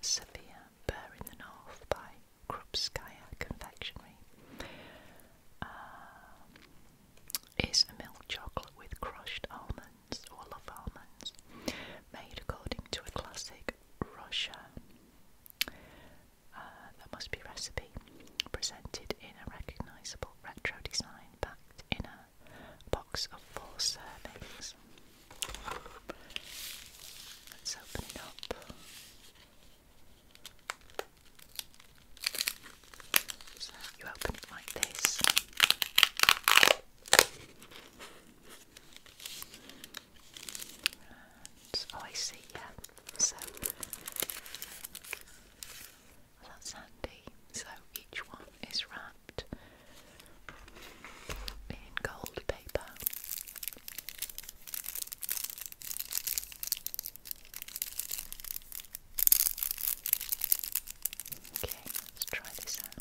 Sophia, Burr in the North by Krupskaya Confectionery. Uh, is a milk chocolate with crushed almonds or love almonds made according to a classic Russia. Uh, must be recipe presented in a recognisable retro design backed in a box of four servings. Let's open it up. So you open it like this. Oh, I see, yeah. So that's handy. So each one is wrapped in gold paper. Okay, let's try this out.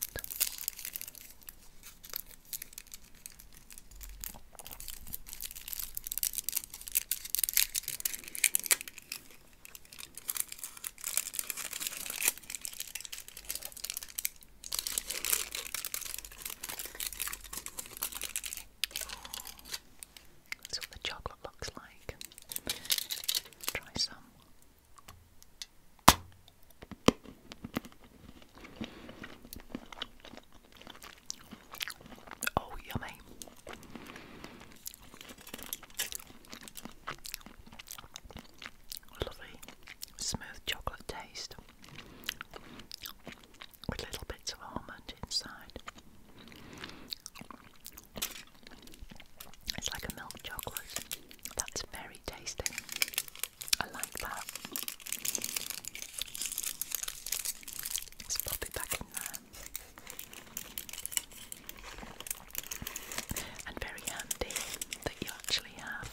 That's what the chocolate looks like. try some. Oh, yummy. Lovely smooth chocolate taste with little bits of almond inside. It's like a milk chocolate. That's very tasty. I like that. Let's pop it back in there and very handy that you actually have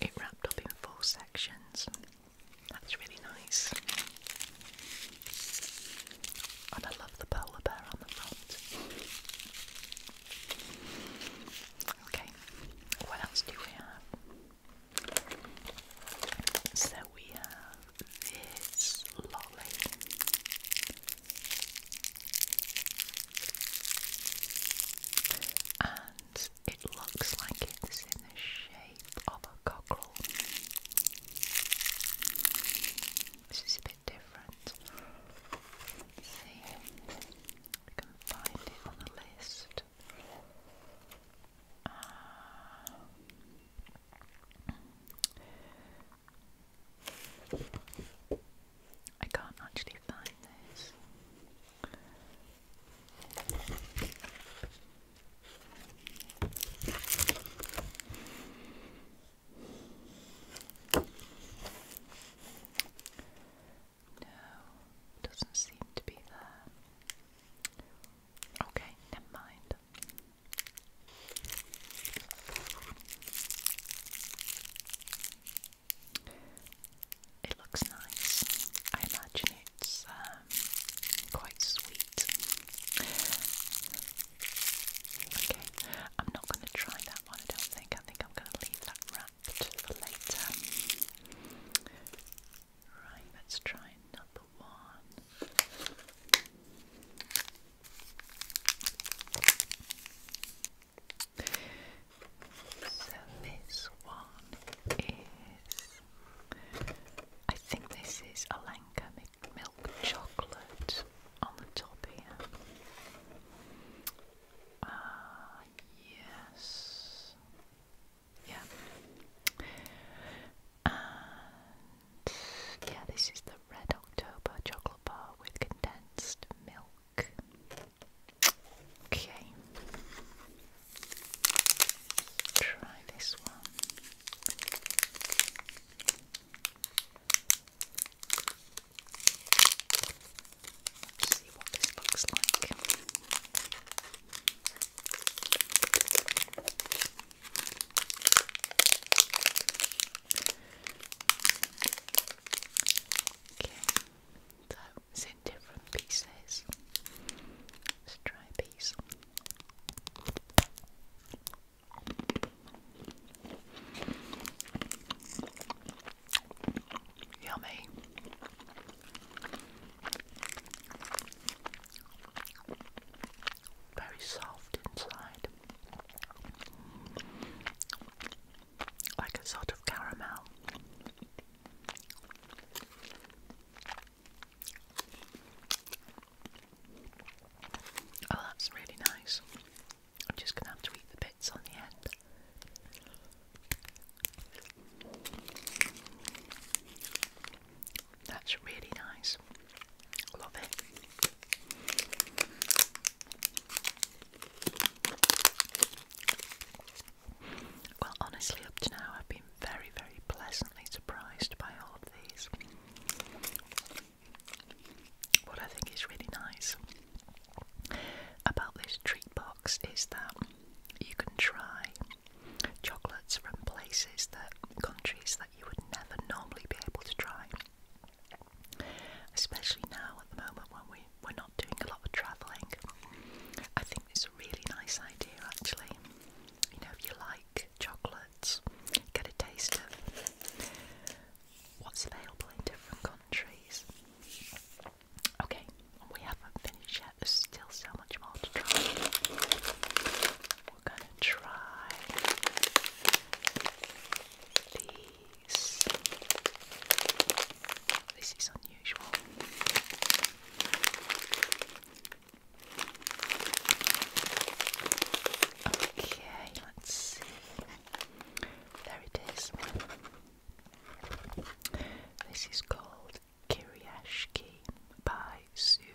it wrapped up in four sections. That's really nice. And I love the polar bear on the front. Okay, what else do we have? So we have this lolly and it looks like it's in the shape of a cockerel. This is a bit different. Let's we can find it on the list. Ah. I can't actually find this. No, doesn't seem to be there. Okay, never mind. It looks nice. I imagine it's um, quite sweet. Okay, I'm not going to try that one, I don't think. I think I'm going to leave that wrapped for later. Right, let's try another one. So this one is, I think this is Alenka milk chocolate on the top here. Ah, yes. Yeah. And yeah, this is the Red October chocolate bar with condensed milk. Okay. Try this one. Let's see what this looks like. Okay, so it's in different pieces. Let's try a piece. Yummy. Very soft inside like a sort of caramel. Oh, that's really nice. I'm just going to have to eat the bits on the end. That's really nice. Love it. Well, honestly, up to now, I've been very, very pleasantly surprised by all of these. What I think is really nice about this treat box is that you can try chocolates from places that countries that you would never normally be able to try especially now at the moment when we, we're not doing a lot of travelling. I think it's a really nice idea actually. You know, if you like chocolates, get a taste of what's available in different countries. Okay, we haven't finished yet, there's still so much more to try. We're gonna try the this is unusual. Okay, let's see. There it is. This is called Kiriashki by Suhariki.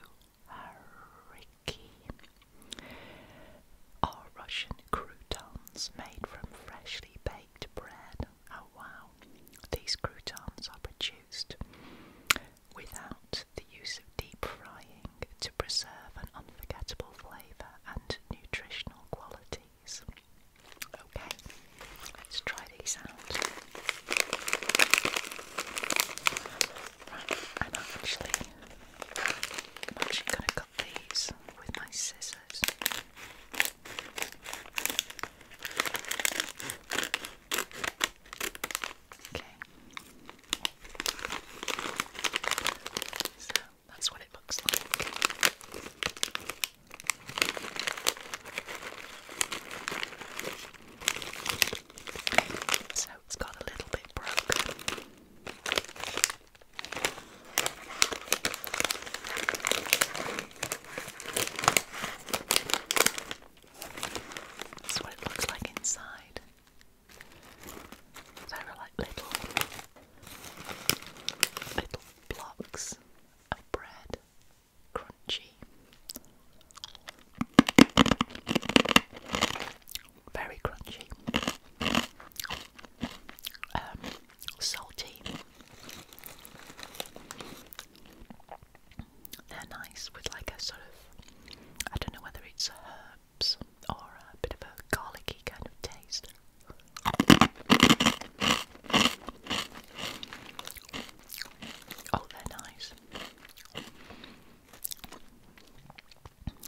Are Russian croutons made from freshly baked? baked bread. Oh, wow, these croutons are produced without the use of deep frying to preserve an unforgettable flavour and nutritional qualities. Okay, let's try these out. I'm actually going to cut these with my scissors. Okay. So that's what it looks like. So it's got a little bit broken. That's what it looks like inside. There are like little, little blocks of bread, crunchy. Very crunchy. Um, salty. They're nice with like a sort of, I don't know whether it's herbs or a bit of a garlicky kind of taste. Oh, they're nice.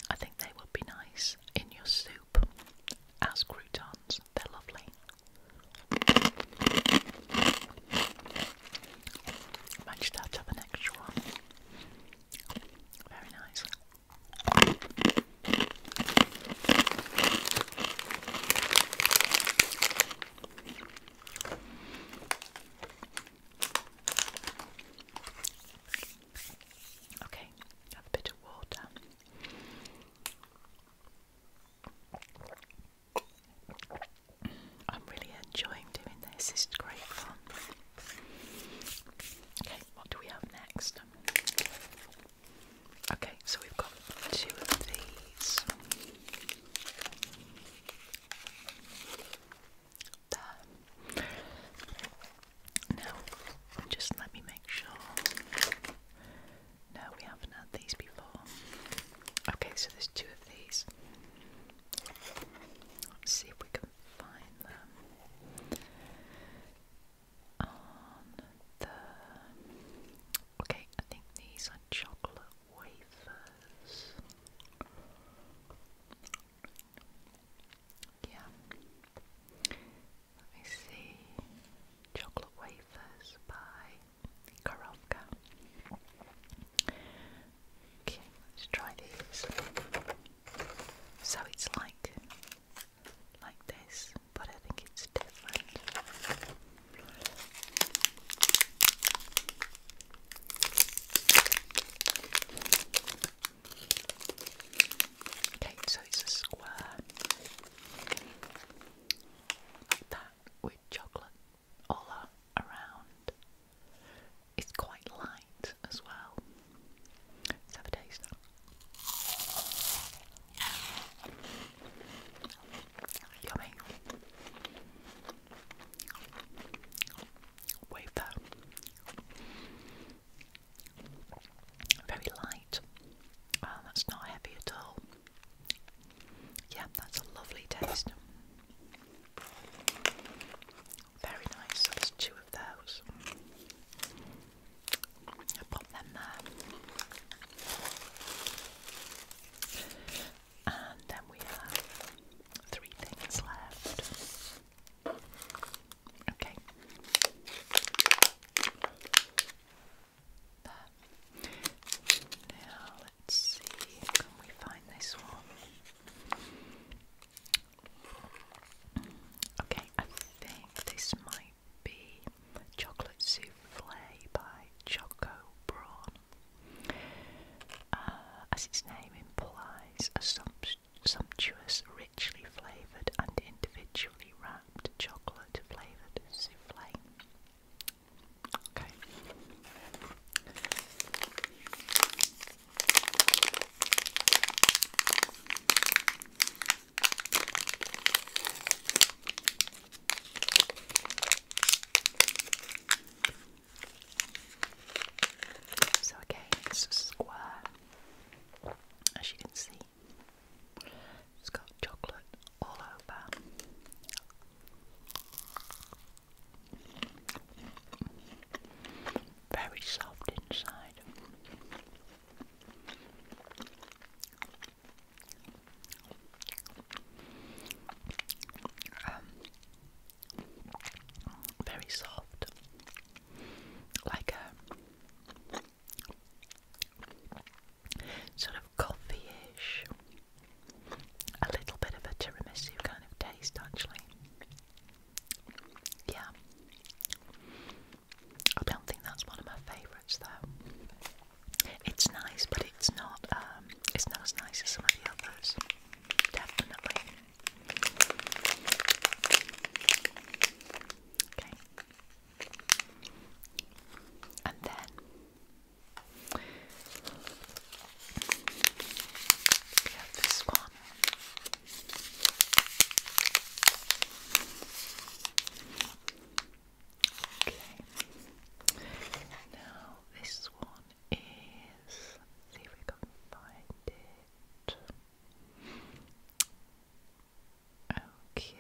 I think they would be nice in your soup as croutons. They're lovely. Might just have to have an extra one. Very nice. Okay, have a bit of water. I'm really enjoying doing this, it's great fun. Okay, what do we have next? Okay, so we've got two of these. Now, just let me make sure no, we haven't had these before. Okay, so there's two of these. Let's see if we can find them. Okay, I think these are chocolate wafers. Yeah. Let me see. Chocolate Wafers by Karovka. Okay, let's try these. So it's like like this, but I think it's different. Okay, so it's a square that with chocolate all around. It's quite light as well. have a taste. Yummy. Wafer. Very light. Oh, that's not heavy at all. Yeah, that's a lovely taste. Very nice. So two of those. I pop them there. And then we have three things left. Okay. Now let's see, can we find this one? Okay, I think this might be Chocolate Souffle by Choco Braun. Uh, as its name implies, a sumptuous, richly flavoured and individually wrapped wrapped chocolate to souffle. Okay. So okay, it's a square. As you can see, it's got chocolate all over. Very soft inside. Um, very soft, like a sort of coffee-ish, a little bit of a tiramisu kind of taste actually. Yeah, I don't think that's one of my favourites though. It's nice, but it's not. Um, it's not as nice as some of the others, definitely. Okay, and then we have this one. Okay. Now this one is see if we can find it. Okay.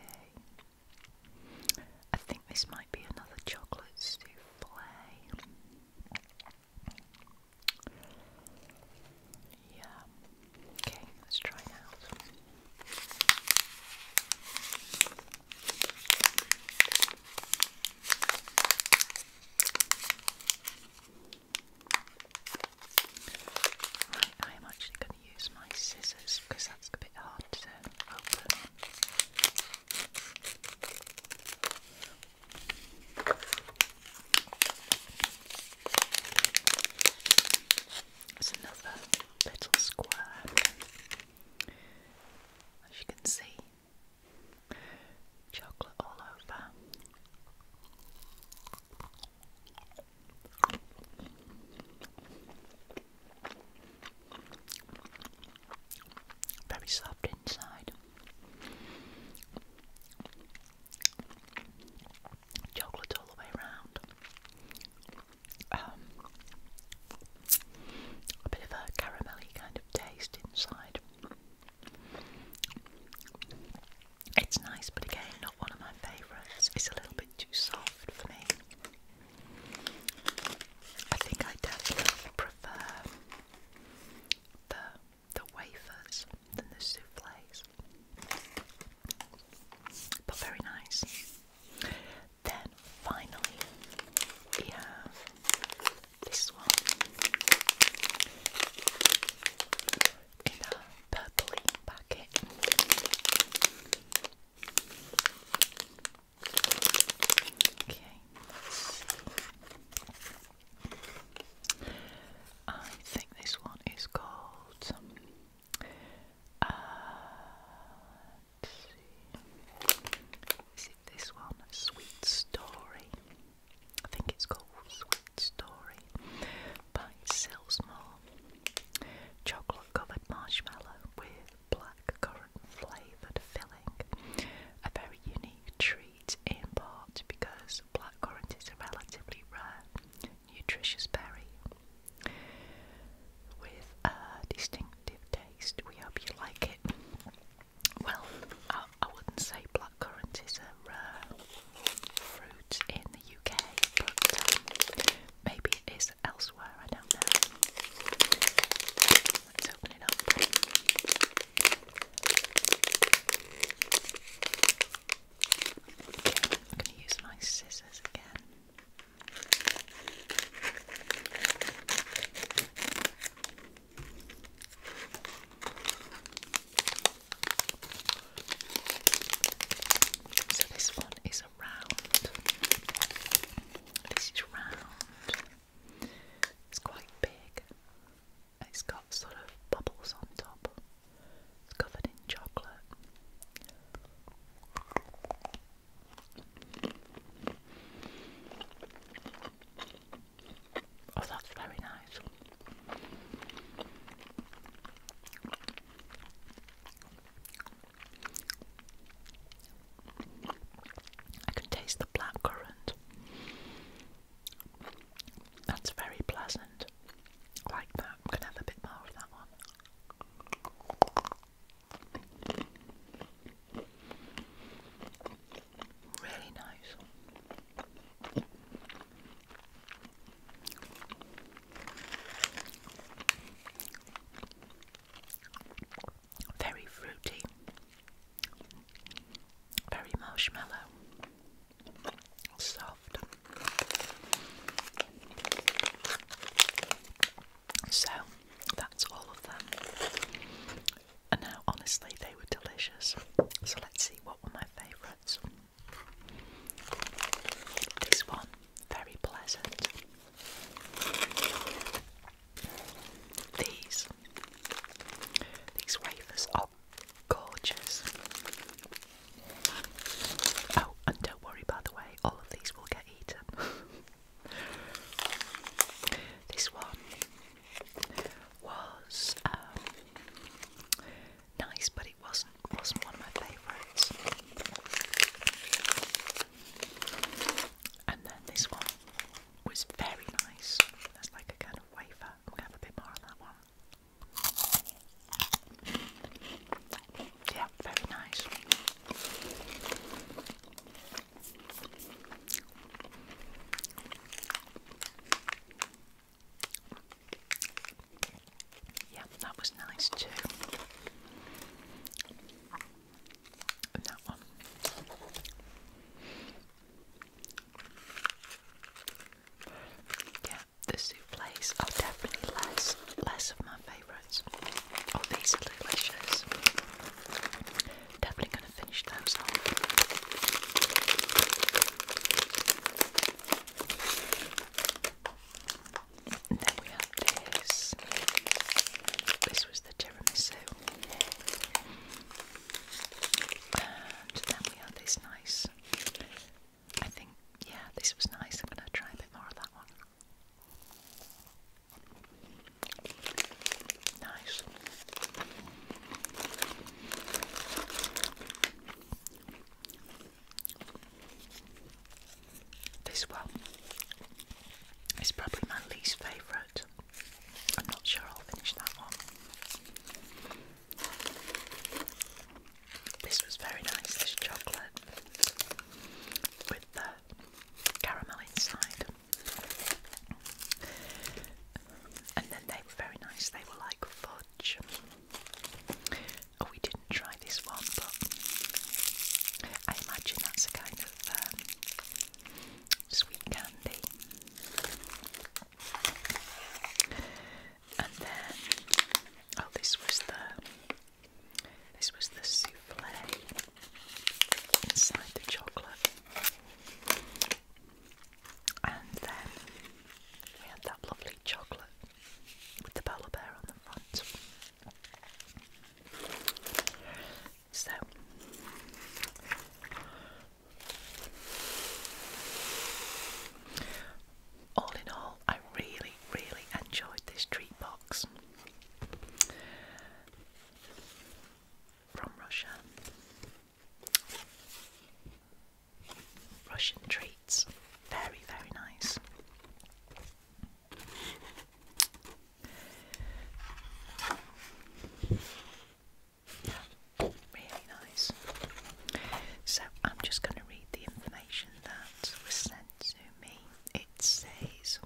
I think this might be another chocolate souffle. Yeah. Okay, let's try it out. Right, I am actually going to use my scissors because that's a bit hard to open. another little square, as you can see, chocolate all over. Very soft inside. Chocolate all the way around. Um, a bit of a caramelly kind of taste inside. It's nice, but again, not one of my favourites. It's a little bit too soft for me. I think I definitely prefer the the wafers than the souffles. But very nice. Then finally we have this one in a purpley packet. Okay. I think this one is called. Uh, let's see. Is it this one? Sweet Story. I think it's called Sweet Story by Silsmore. Chocolate covered marshmallow with Black currant flavoured filling. A very unique treat in part because black currant is a relatively rare, nutritious berry with a distinctive taste. We hope you like it. Well, I, wouldn't say black currant is a rare fruit in the UK, but um, maybe it is elsewhere, I don't know. Let's open it up. Okay, I'm going to use my scissors again. So this one is round this is round. It's quite big. It's got sort of bubbles on top. It's covered in chocolate. Oh, that's very nice. I can taste the blackcurrant. That's very pleasant. Like that. I'm going to have a bit more of that one. Really nice very fruity, very marshmallow, soft. So that's all of them. And now, honestly, they were delicious. So let's see what were my favourites. This one, very pleasant. These, these wafers are gorgeous. Oh, and don't worry by the way, all of these will get eaten. [LAUGHS] this one was um, nice, but it wasn't wasn't one of my favourites. And then this one was very nice. That's like a kind of wafer. I'm gonna have a bit more of that one. Yeah, very nice. Yeah, that was nice too. And that one. Yeah, the souffles are definitely less less of my favourites. Oh, delicious. Definitely gonna finish those off. then we have this. This was the tiramisu. And then we had this nice, I think, yeah, this was nice. I'm going to try a bit more of that one. Nice. This one is probably my least favourite. I'm not sure I'll finish that one. This was very nice, this chocolate with the caramel inside. And then they were very nice, they were like fudge. Oh, we didn't try this one, but I imagine that's a kind of um, sweet candy. And then, oh, this was the this was the souffle inside the chocolate. And then we had that lovely chocolate with the polar bear on the front. So all in all, I really, really enjoyed this treat box from Russia. Russian treats, very, very nice really nice. So I'm just going to read the information that was sent to me. It says.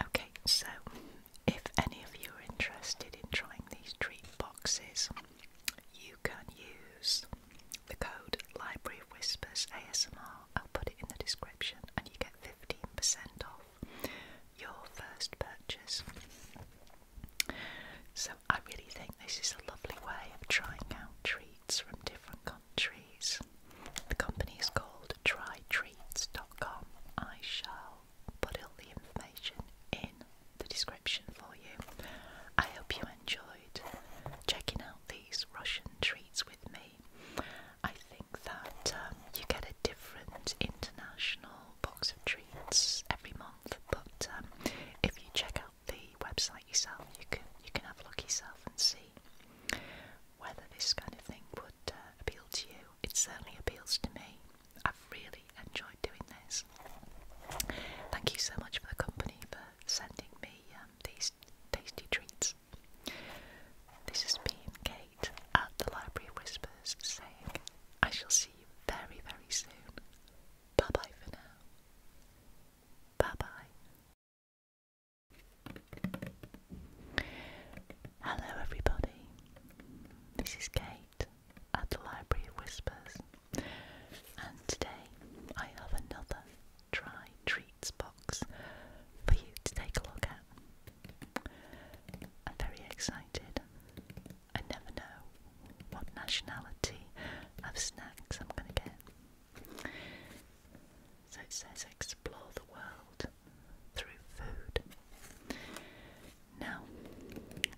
Okay, so if any of you are interested in trying these treat boxes, you can use the code Library Whispers ASMR I'll put it in the description, and you get 15% off your first purchase. So, I really think this is a lovely way of trying out treats from different countries. The company is called trytreats.com. I shall put all the information in the description for you. I hope you enjoyed checking out these Russian treats with me. I think that um, you get a different international box of treats every month, but um, if you check out the website yourself, you can you can have a look yourself and see whether this kind of thing would uh, appeal to you. It certainly appeals to me. I've really enjoyed doing this. Thank you so much for the company for sending me um, these tasty treats. This is been Kate at the Library of Whispers saying, I shall see you very, very soon. Bye bye for now. Bye bye. Hello, everybody. This is Kate at the Library of Whispers, and today I have another Try treats box for you to take a look at. I'm very excited. I never know what nationality of snacks I'm going to get. So it says explore the world through food. Now,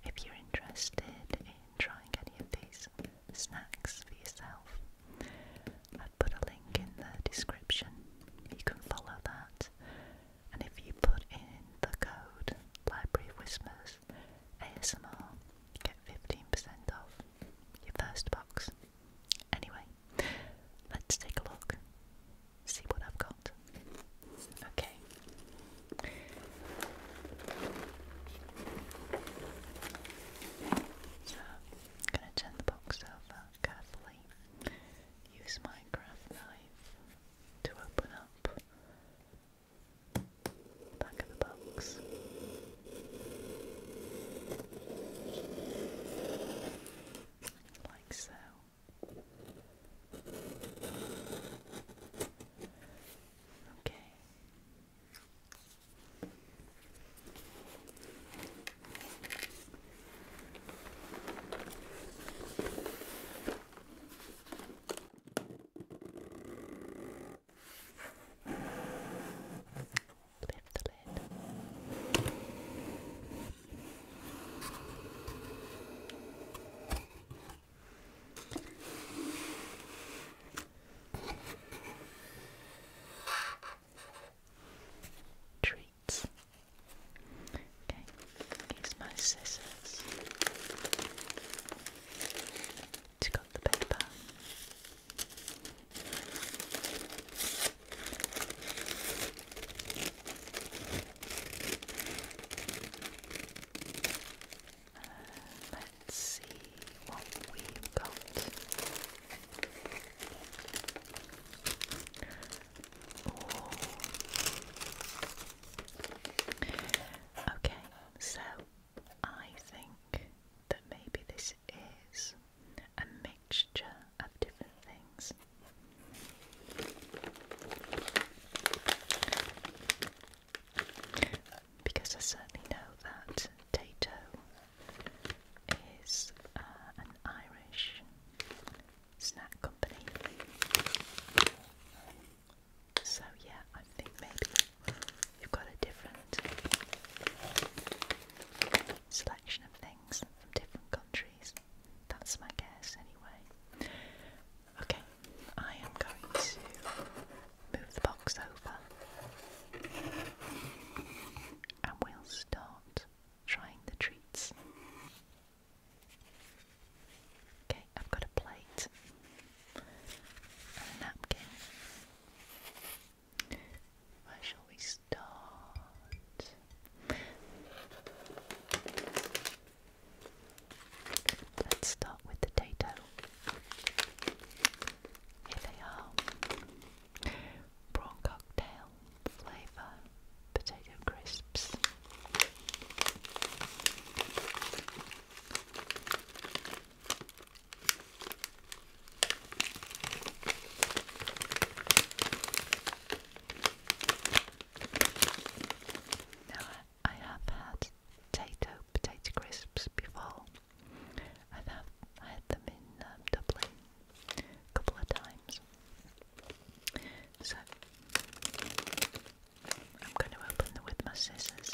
if you're interested in trying any of these snacks for yourself, I've put a link in the description. You can follow that. And if you put in the code Library Whispers ASMR, get 15% off your first box. Anyway, let's take a look, see what I've got. Okay. So, going to turn the box over carefully. Use my craft knife to open up back of the box. Like so. Okay. Lift the lid. Tree Okay, here's my scissors to cut the paper. Uh, let's see what we've got. Okay, so I think that maybe this is a mixture of different things. Because I certainly know that Tato is uh, an Irish snack company. So, yeah, I think maybe you've got a different selection of things from different countries. That's my guess, anyway. Okay, I am going to move the box over and we'll start trying the treats. Okay, I've got a plate and a napkin. Where shall we start? Let's start with the potato. Here they are. Prawn cocktail flavor potato crisps. Now, I have had potato potato crisps before. I've had them in um, Dublin a couple of times. So, I'm going to open them with my scissors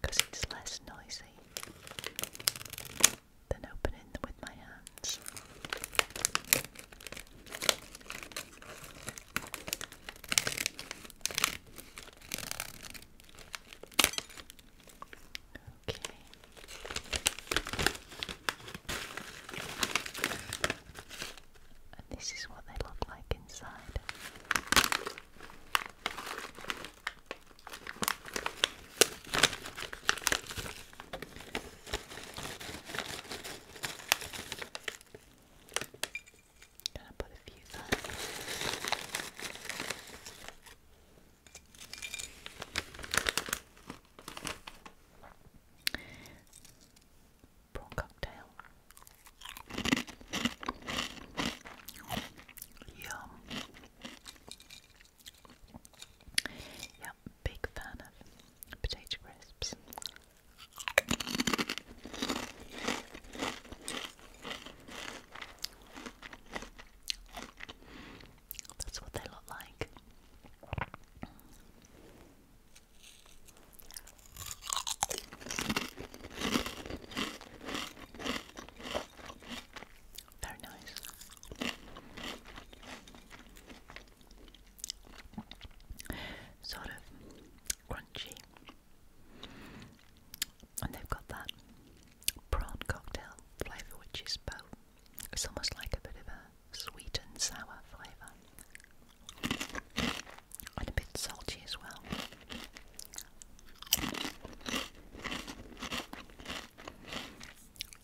because it's less noisy than opening them with my hands. Okay. And this is what they look like inside. Gonna put a few back. Prawn cocktail. Yum. Yep, big fan of potato crisps. That's what they look like. Very nice. Sort of crunchy. And they've got that prawn cocktail flavour, which is both it's almost like a bit of a sweet and sour flavour. And a bit salty as well.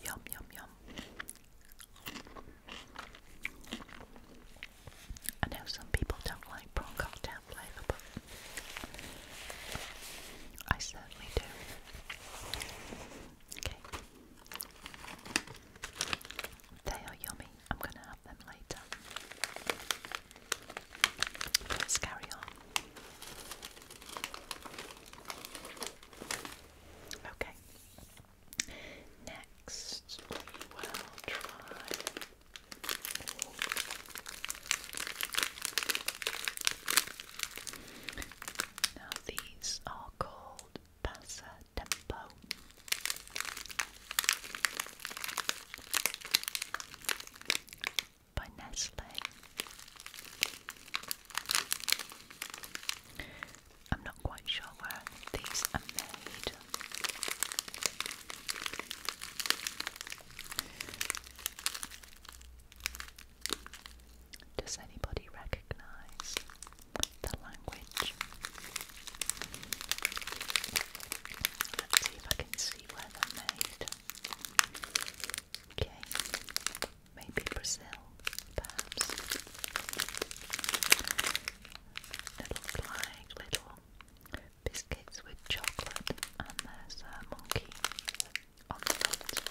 Yum, yum, yum. I know some people don't like prawn cocktail flavour, but I certainly do. They are yummy. I'm going to have them later. Let's carry on. Okay. Next, we will try. Now, these are called Passatempo. By Nestle. I'm not quite sure where these are made. Does anybody recognize the language? Let's see if I can see where they made. Okay, maybe Brazil, perhaps. It like little biscuits with chocolate, and there's a monkey on the front.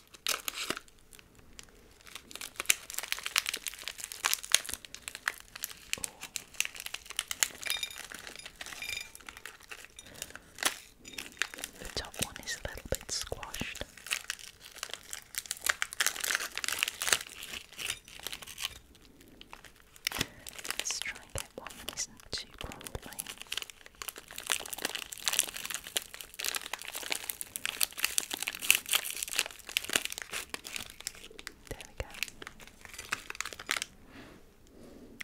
The top one is a little bit squashed. Let's try and get one that isn't too crumbly. There we go.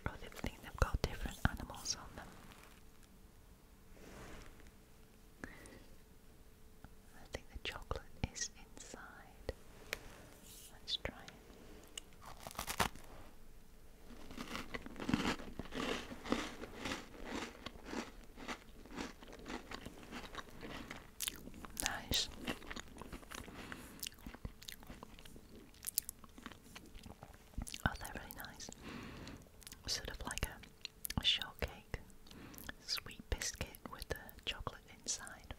Oh, think they've got different animals on them. I think the chocolate is inside. Let's try Nice. Oh, they're really nice. Sort of like a, shortcake, sweet biscuit with the chocolate inside.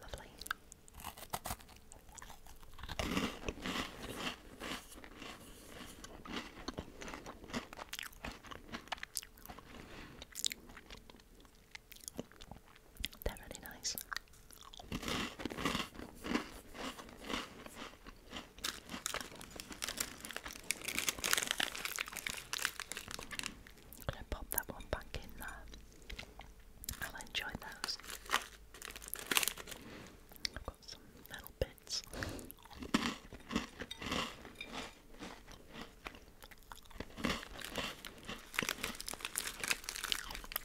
Lovely. They're really nice. going to pop that one back in there. I'll enjoy those. I've got some little bits.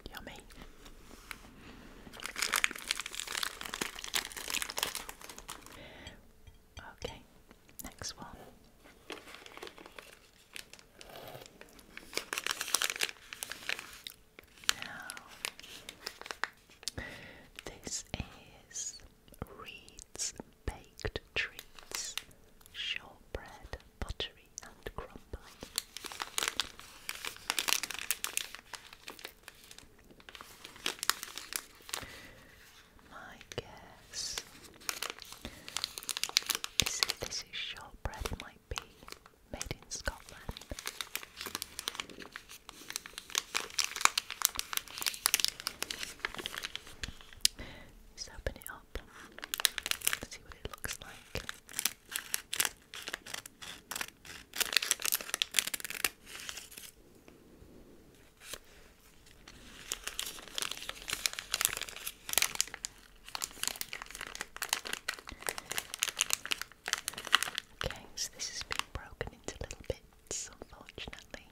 Yummy. Okay, next one. Now, this is Reed's Baked Treats Shortbread, Buttery and Crumbly. My guess is if this shortbread, might be made in Scotland open it up. Let's see what it looks like. Okay, so this is being broken into little bits bits, unfortunately.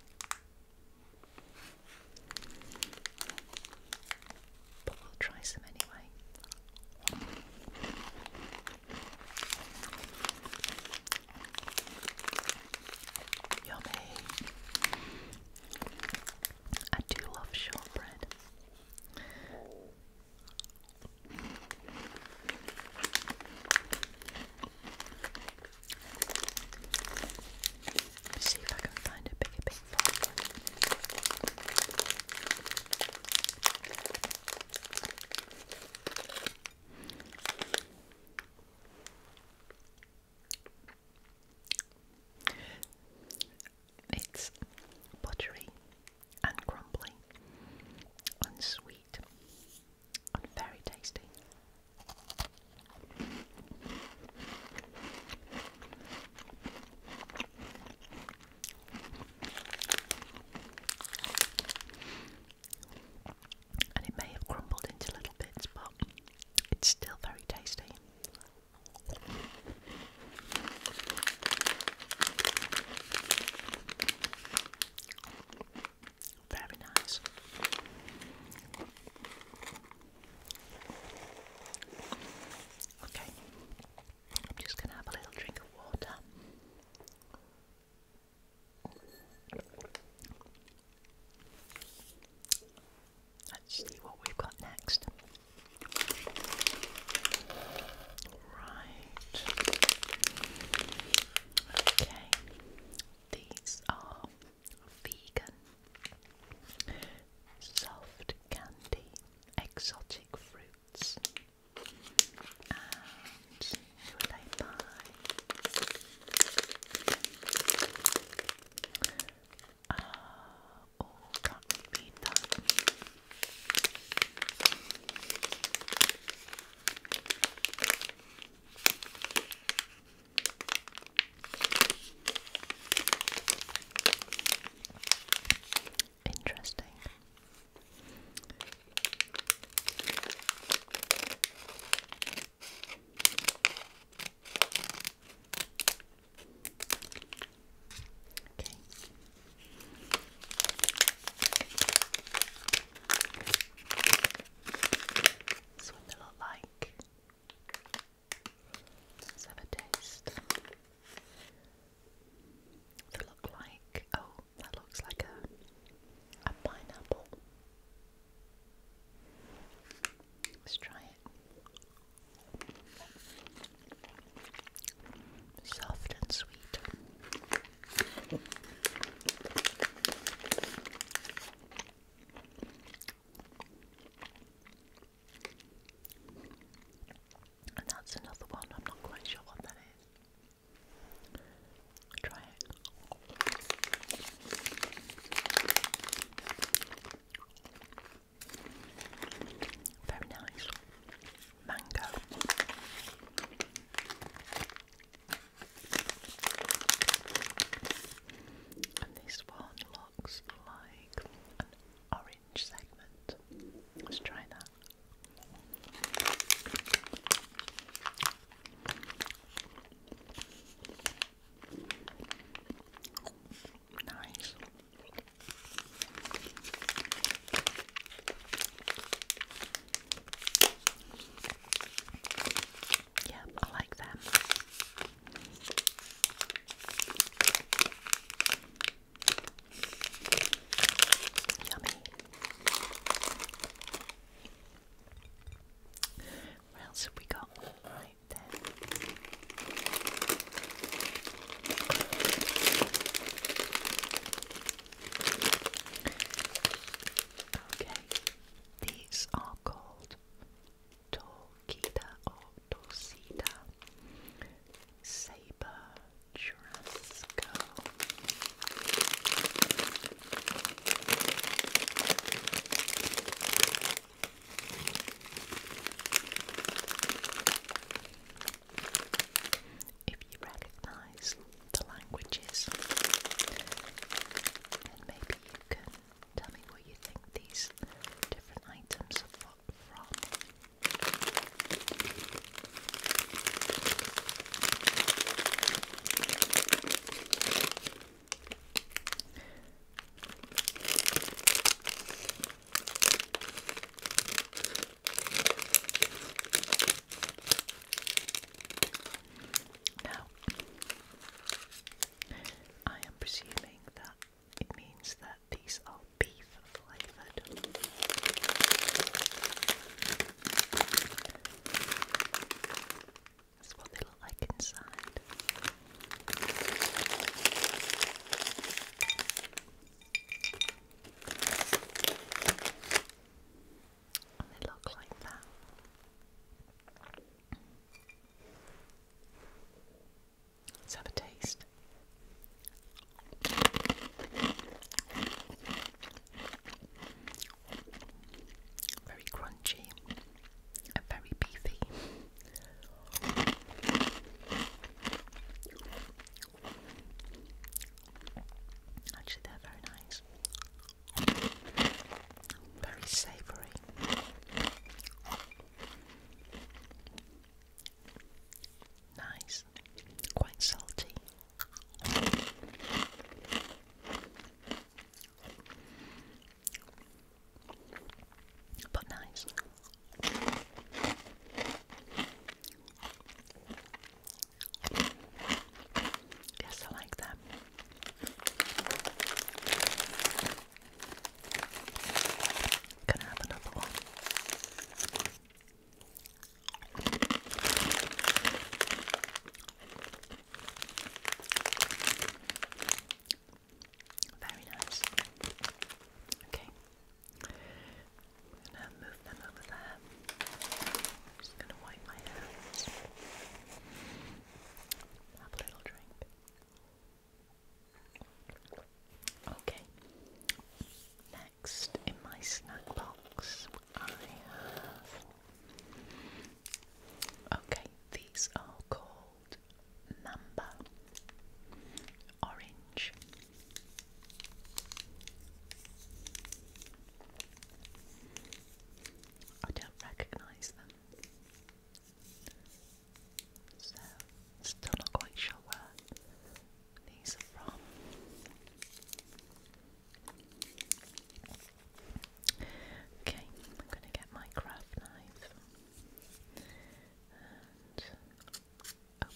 But we'll try some anyway. Yummy! I do love shortbread. Let's see if I can find a bigger big one. It's buttery and crumbly and sweet very tasty. And it may have crumbled into little bits, but it's still very tasty. Very nice. Okay, I'm just going to have a little drink of water. Let's see what we've got next. Right. Okay. These are vegan, soft candy, exotic fruits, and who will I buy? oh, can't repeat that. Interesting. Okay. That's what they Let's have a taste. They look like oh, that looks like a a pineapple. Let's try it. Soft and sweet. And that's another one, I'm not quite sure what that is. Try it. Very nice. Mango. And this one looks like an orange segment. Let's try that. Nice. Yeah, I like that. Yummy. What else have we got right there? Okay, these are called Tokita or Tosita, Saber, Churrasco. If you recognise the languages, then maybe you can Tell me where you think these different items are from. I am presuming that it means that these are beef flavoured. That's what they look like inside. they look like that. Let's have a taste. Very crunchy and very beefy. Actually, they're very nice. Very savoury. Nice. Quite salty. But nice. Yes, I like them. Gonna have another one. Very nice. Okay. gonna move them over there. just gonna wipe my hands. Have a little drink. Okay, next in my snack box I have. Okay, these are called Mamba Orange. I don't recognise them. So, still not quite sure where these are from. Okay, I'm going to get my craft knife and open this up.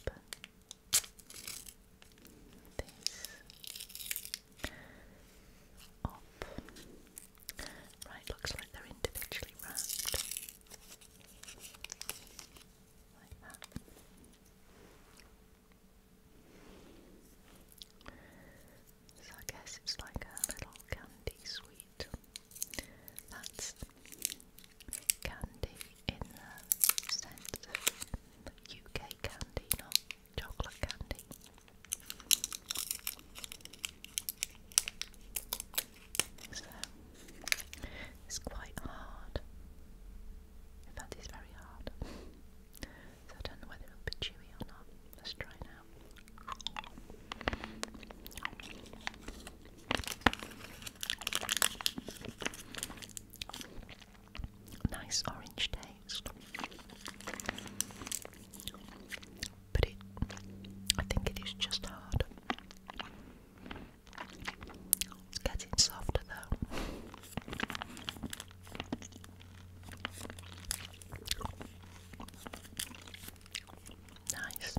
Right, looks like they're individually wrapped. So I guess it's like a little candy sweet. That's candy in the sense of UK candy, not chocolate candy. So it's quite hard. In fact, it's very hard. so I don't know whether it'll be chewy or not. Let's try it Nice orange taste but it, I think it is just hard. It's getting softer though. Nice.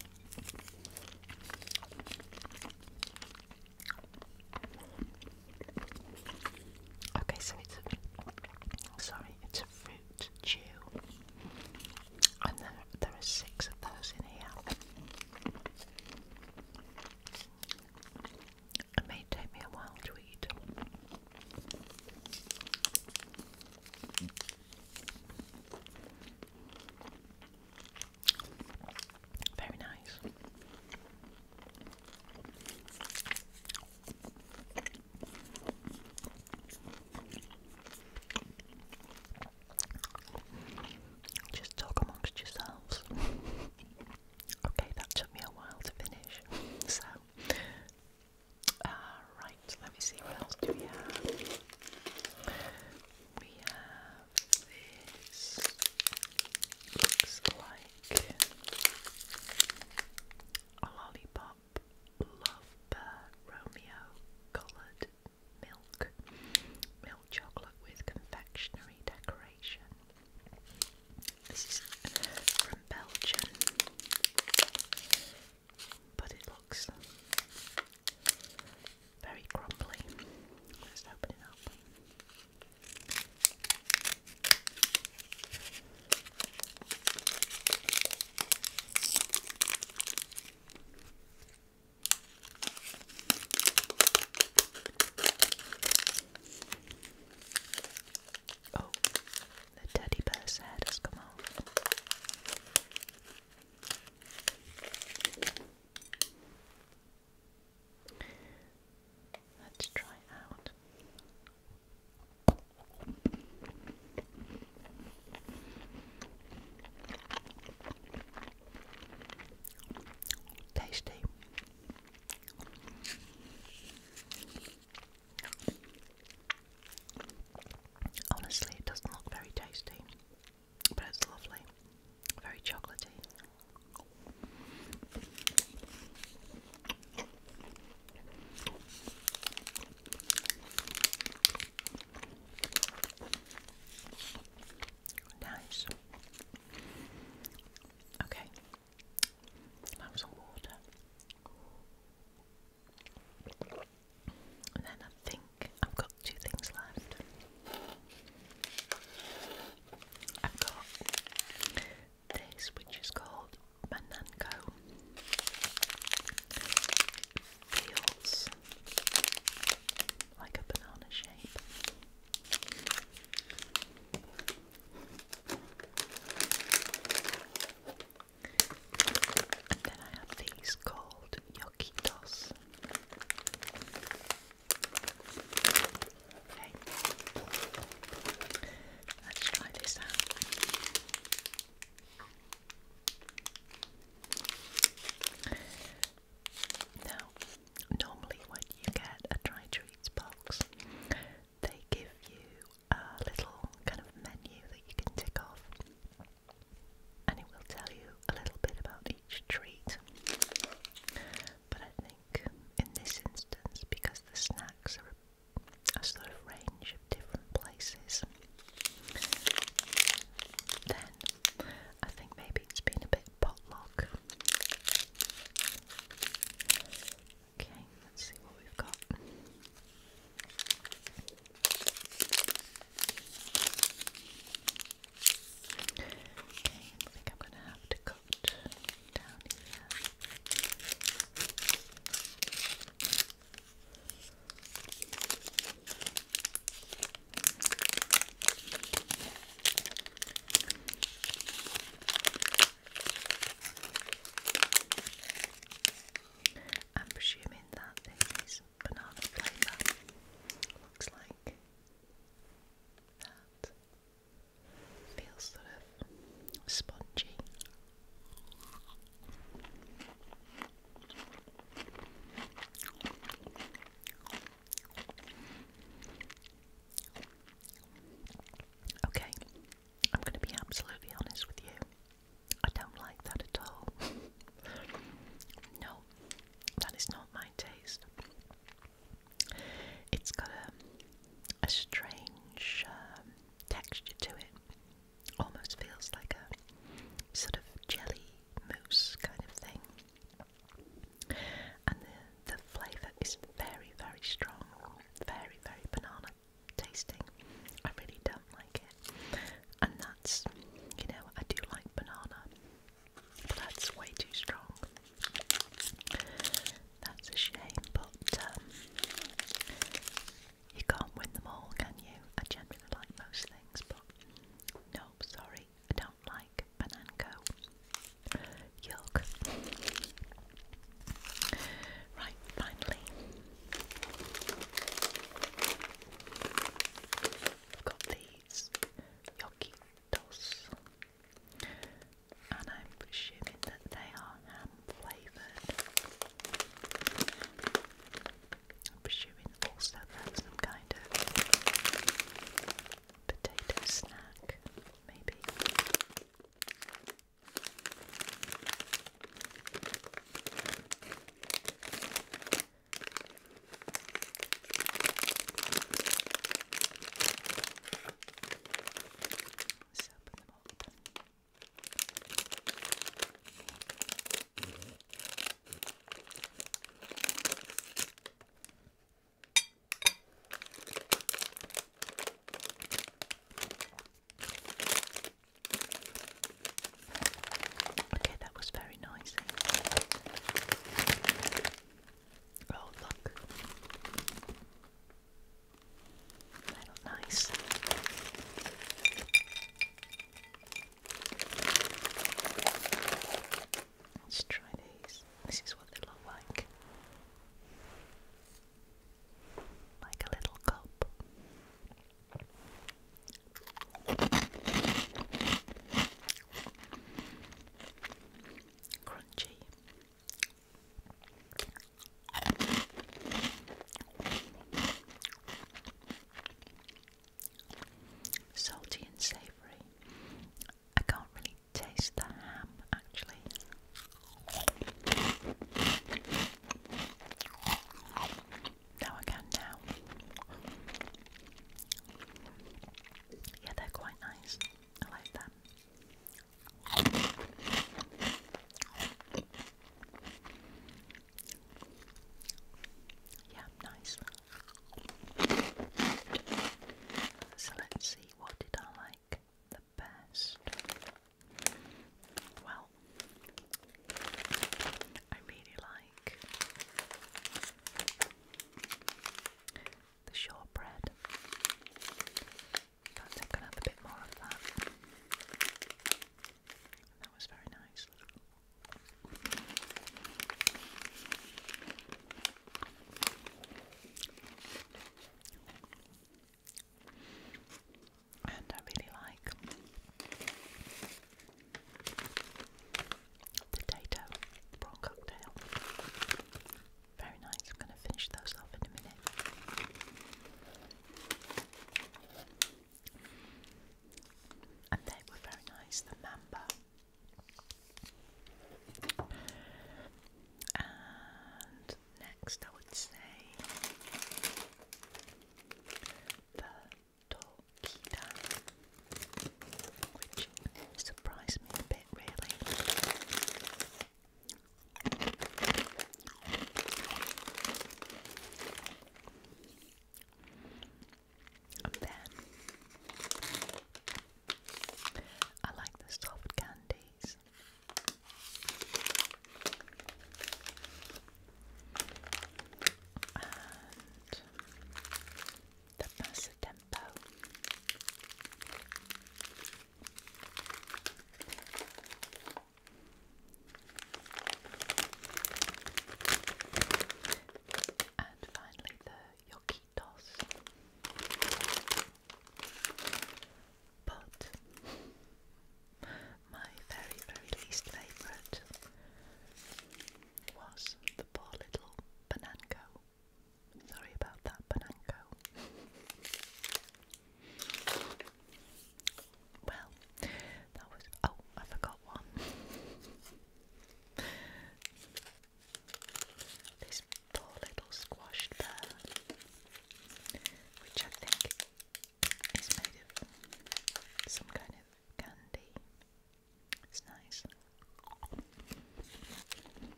Okay, so it's sorry, it's a chew. And there, there are six of those in here. It may take me a while to eat. Very nice. Just talk amongst yourselves. [LAUGHS] okay, that took me a while to finish. [LAUGHS] So, uh, right, let me see what else do we have. We have this. Looks like a lollipop. Top Romeo Coloured Milk. Milk chocolate with confectionery decoration. This is from Belgium, but it looks very crumbly. Let's open it up. Oh, the teddy bear's head has come off. Let's try out. Tasty. Honestly, it doesn't look very tasty, but it's lovely, very chocolatey. Nice. Okay. That was water. And then I think I've got two things left. I've got this, which is called Mananko feels like a banana shape. And then I have these called yokitos. Okay, let's try this out. Now, normally when you get a dry treats box, they give you a little kind of menu that you can tick off, and it will tell you a little bit about each treat. But I think in this instance, because the snacks are a sort of range different places. Then I think maybe it's been a bit potluck. Okay, let's see what we've got. Okay, I think I'm gonna have to cut down here. I'm presuming that this is banana flavour. Looks like that. Feels sort of spongy. Okay, I'm going to be absolutely honest with you. I don't like that at all. [LAUGHS] no, that is not my taste. It's got a, a strange um, texture to it almost feels like a sort of jelly mousse kind of thing. And the, the flavour is very, very strong, very, very banana tasting. I really don't like it. And that's, you know, I do like banana, but that's way too strong. That's a shame, but um, you can't win them all, can you? I generally like most things, but no, sorry, I don't like banana. Yolk. Right, finally. I've got these Yokitos. And I'm presuming that they are ham flavoured. I'm presuming also that's some kind of potato snack, maybe. open them up. Okay, that was very noisy. Oh, look. They look nice. Let's try these. This is what they look like. Like a little cup. Crunchy salty and savoury. I can't really taste the ham actually. Now I now. Yeah, they're quite nice. I like them. Yeah, nice. So let's see, what did I like the best? Well, I really like the shortbread. I think I can have a bit more of that. That was very nice. And I really like the prawn cocktail. Very nice. I'm going to finish those off in a minute and they were very nice, the mamba. And next, I would say the Tokita, which surprised me a bit, really then I like the soft candies. And the massa and finally, the Yokitos. But my very, very least favourite was the poor little Bananco. Sorry about that, Bananco. Well, that was. Oh, I forgot one. This poor little squashed bird, which I think is made of some kind of candy. It's nice.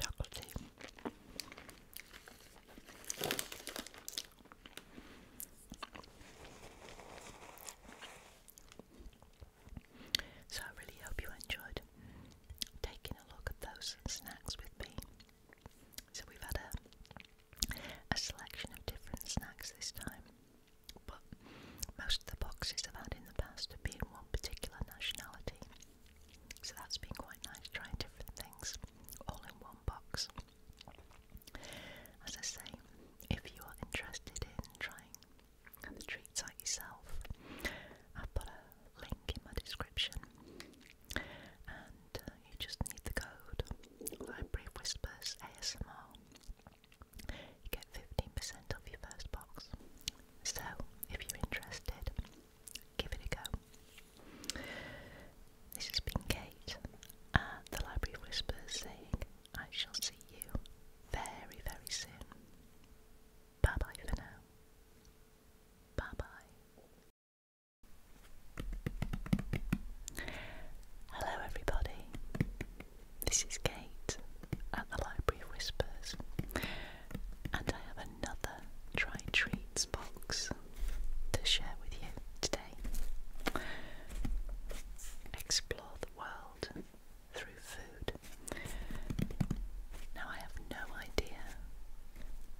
Chocolatey. So I really hope you enjoyed taking a look at those snacks with me. So we've had a, a selection of different snacks this time, but most of the boxes I've had in the past have been one particular nationality. So that's been quite nice trying different things all in one box. As I say, if you are interested in trying the treats out yourself, I've put a link in my description, and uh, you just need the code Library Whispers ASMR. You get 15% off your first box. So, if you're interested, give it a go. This has been Kate at the Library Whispers saying I shall see you very, very soon. Bye bye for now. Bye bye. Hello, everybody. This is Kate at the Library Whispers, and I have another Try Treats box to share with you today. Explore the world through food. Now, I have no idea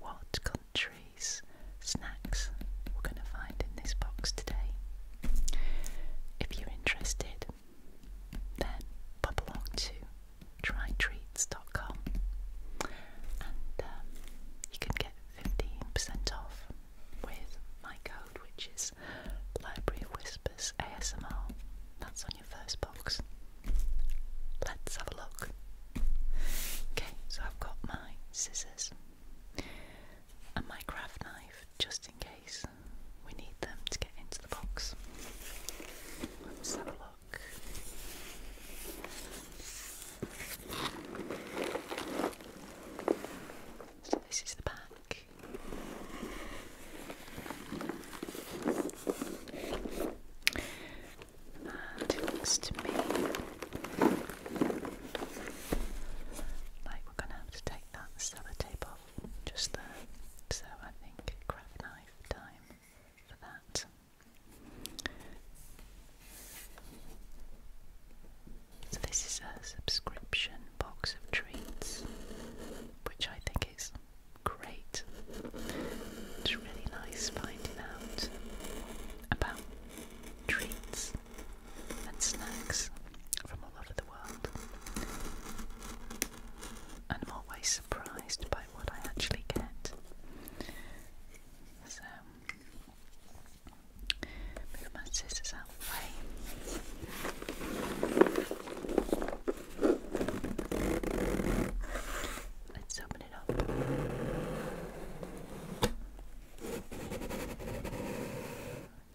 what countries' snacks we're going to find in this box today. If you're interested, then pop along to trytreats.com and um, you can get 15% off with my code, which is Library Whispers ASMR. That's on your first box. Let's have a look. Okay, so I've got my scissors and my craft knife just in case we need them to get into the box. Let's have a look. So, this is the back it looks to me like we're going to have to take that sellotape off just there. So I think craft knife time for that. So this is a subscription box of treats, which I think is great. It's really nice finding out about treats and snacks from all over the world. And I'm always surprised by what I actually get. So Move my scissors out of the way. Let's open it up.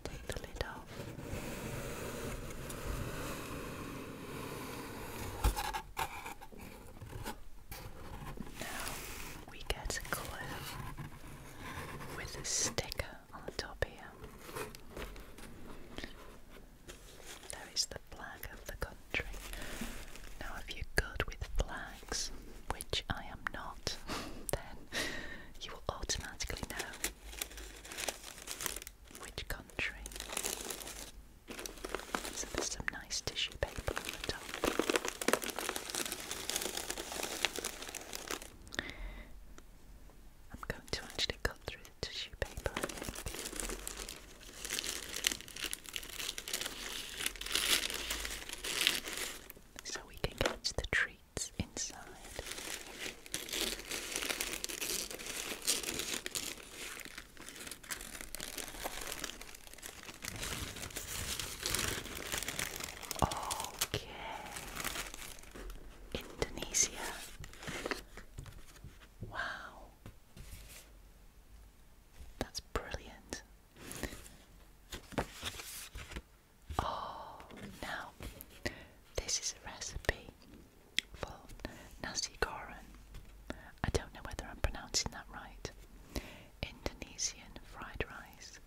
Take the lid off. Now we get a glue with a sticker on the top here. There is the flag of the country. Now, if you're good with flags, which I am not, [LAUGHS] then you will automatically know which country. So there's some nice tissue paper on the top. I'm going to actually cut through the tissue paper, So we can catch the treats inside. Okay. Indonesia. Wow. That's brilliant. Oh, now this is a recipe for nasi goreng. I don't know whether I'm pronouncing that right. Indonesian fried rice.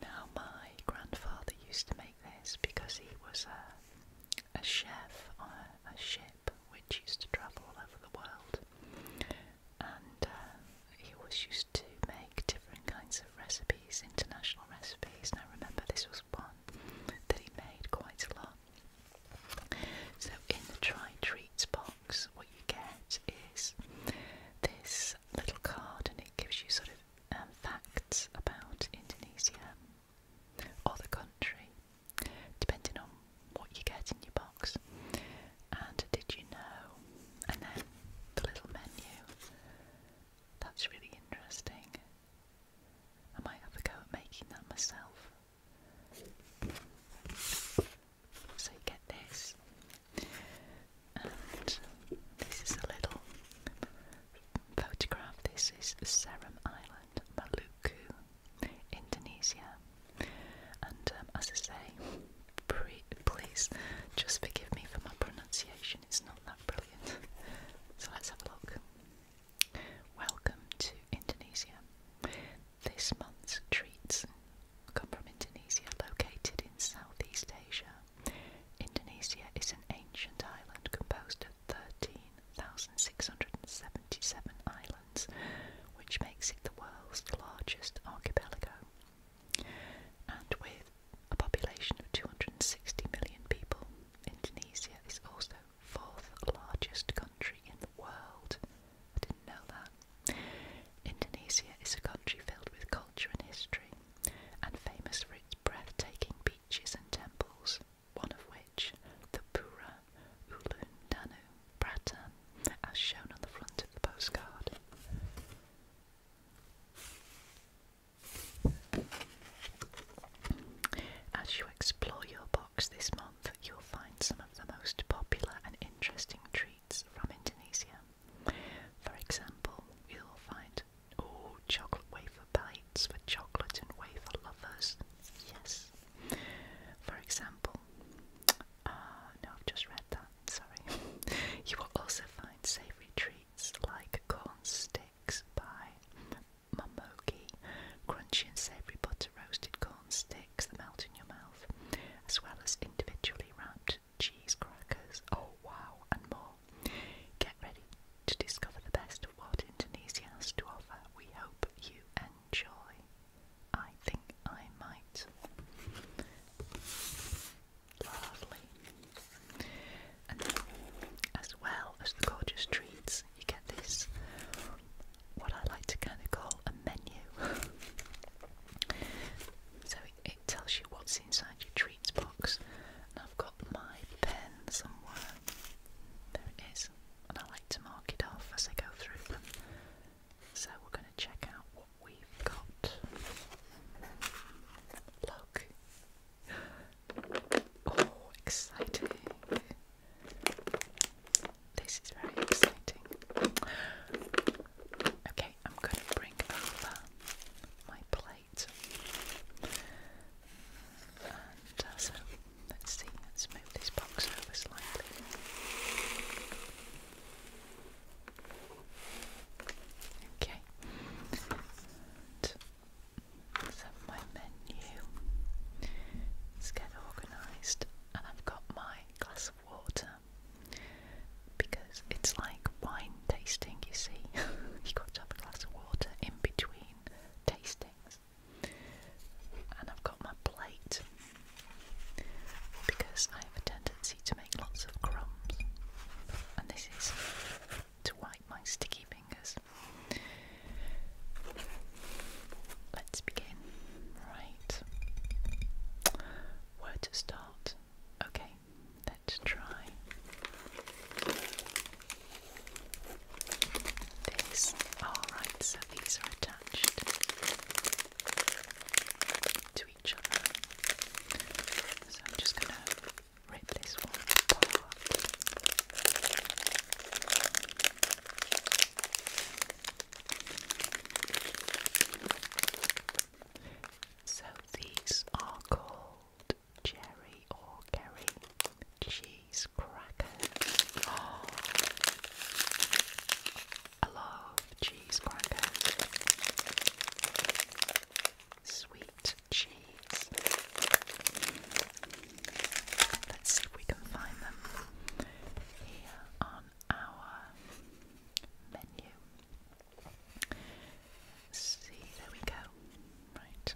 Now, my grandfather used to make this because he was a, a chef on a, ship which used to travel all over the world, and uh, he was used to make different kinds of recipes, international recipes. Now, remember this was one that he made quite a lot. So, in the try treats box, what you get is this little card, and it gives you sort of um, facts about Indonesia or the country, depending on what you get in your box. And did you know? And then the little menu. That's really interesting. I might have a go at making that myself. So get this and this is a little photograph. This is Seram Island, Maluku, Indonesia. And um, as I say, please just forgive me for my pronunciation, it's not that brilliant. So let's have a look. Welcome to Indonesia. This month's treats come from Indonesia, located in Southeast Asia. Indonesia is an ancient island composed of 13,677 islands, which makes it the world's largest archipelago. And with a population of 260 million people, Indonesia is also fourth largest country in the world. I didn't know that. Indonesia is a country filled with culture and history, and famous for its breathtaking beaches beaches and temples, one of which, the Pura Ulun Danu Pratan, as shown on the front of the postcard. As you explore your box this month, you'll find some of the most popular and interesting treats from Indonesia. For example, you'll find chocolate. Oh, chocolate wafer bites for chocolate and wafer lovers. Yes. For example, uh, no, I've just read that, sorry. [LAUGHS] you will also find savory treats like corn sticks by Momoki, crunchy and savory butter roasted corn sticks that melt in your mouth, as well as individually wrapped cheese crackers. Oh wow, and more. Get ready to discover the best of what Indonesia has to offer. We hope you enjoy. I think I might. Lovely. And then, as well as the gorgeous treats, you get this what I like to kind of call a menu. so it, tells you what's inside your treats box. And I've got my pen somewhere. There it is. And I like to mark it off as I go through them. So we're going to check out what we've got. Look. Oh, exciting. This is very exciting. Okay, I'm going to bring over my plate. Uh, so, let's see, let's move this box over slightly. Okay. And my menu. Let's organised. And I've got my glass of water because it's like wine tasting, you see. [LAUGHS] You've got to have a glass of water water in between tastings. And I've got my plate because I have a tendency to make lots of crumbs, and this is to wipe my sticky fingers. Let's begin. Right. Where to start? Okay, Let's try this. Alright, so these are attached to each other. So I'm just going to rip this one apart. So these are called cherry or curry cheese cracker, Oh, [GASPS] I cheese crackers. Sweet cheese. Let's see if we can find them here on our menu. see, there we go. Right.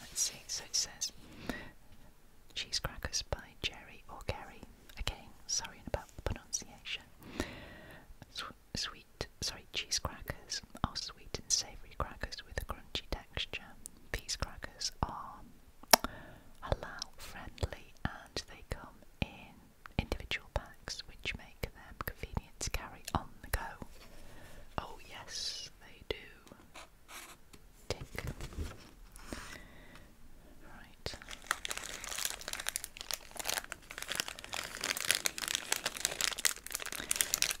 Let's see, so it says cheese crackers by Jerry or Gary Again, sorry about the pronunciation. sweet, sorry, cheese crackers are sweet and savoury crackers with a crunchy texture. These crackers are allow friendly and they come in individual packs which make them convenient to carry on the go. Oh, yes, they do. Tick. Right.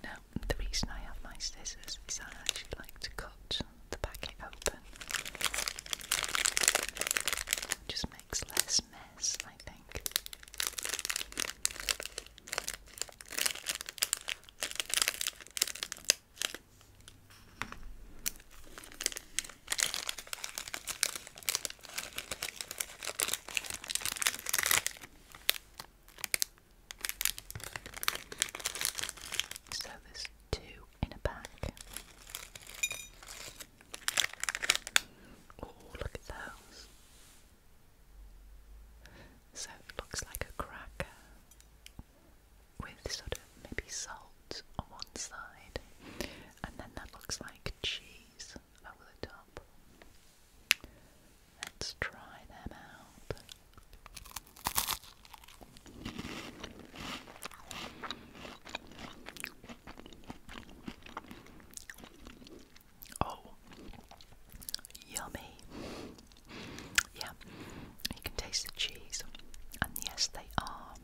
Now, the reason I have my scissors is I actually like to cut the packet open. Just makes less mess, I think. So there's two in a pack. Oh, look at those. So it looks like a cracker with sort of maybe salt on one side, and then that looks like cheese over the top. Let's try them out. Oh, yummy. Yeah, you can taste the cheese, and yes, they are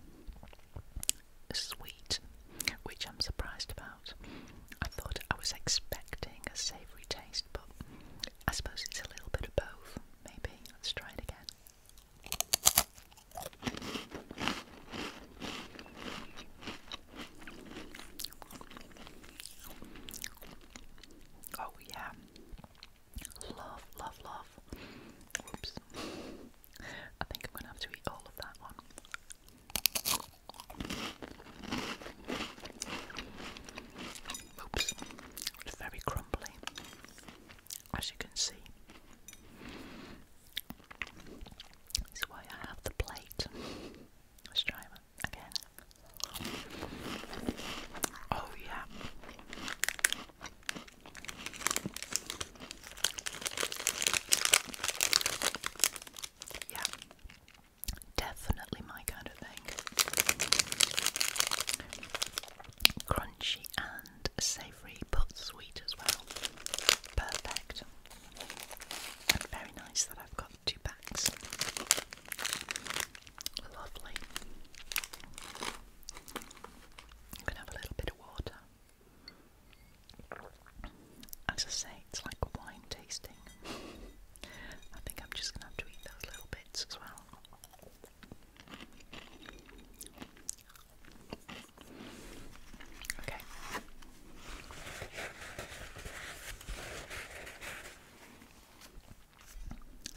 sweet, which I'm surprised about. I thought I was expecting a savoury taste, but I suppose it's a little bit of both. Maybe let's try it again. Oh yeah. Love, love, love. Whoops. I think I'm gonna have to eat all of that one. Oops. very crumbly. As you can see. That's why I have the plate. Let's try one again. Oh, yeah. Yeah, definitely my kind of thing. Crunchy and savoury, but sweet as well. Perfect. And very nice that I've got two packs. Lovely. I'm going to have a little bit of water. As I say, it's like wine tasting. I think I'm just going to have to eat those little bits as well. Okay,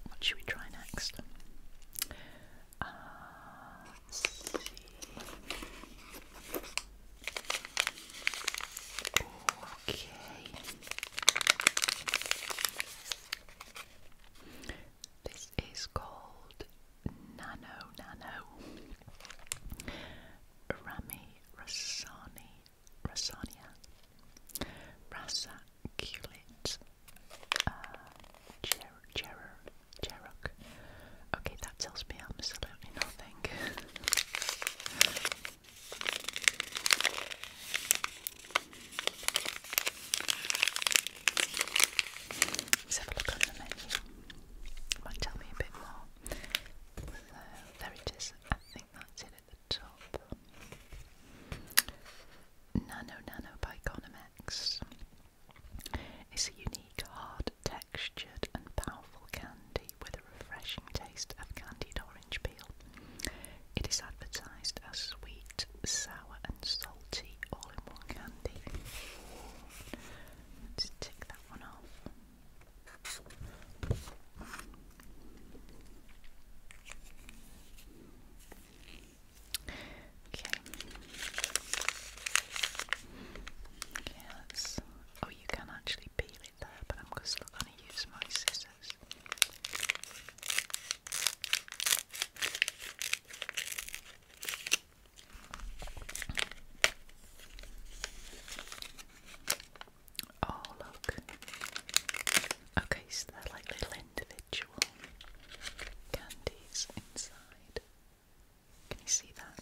what should we try next? Uh, okay. This is called Nano Nano Rami Rasani, Rasania, Rasakulit, Culet, uh, Cherok. Okay, that tells me absolutely nothing. [LAUGHS] have a look on the menu. Might tell me a bit more there it is. I think that's it at the top. Nano Nano by Conomex. It's a unique, hard textured and powerful candy with a refreshing taste of candied orange peel. It is advertised as sweet, sour and salty all in one candy. Let's tick that one off. Okay. Okay, Oh, you can actually peel it there, but I'm just going to use my scissors. Oh, look. Okay, so they're like little individual candies inside. Can you see that?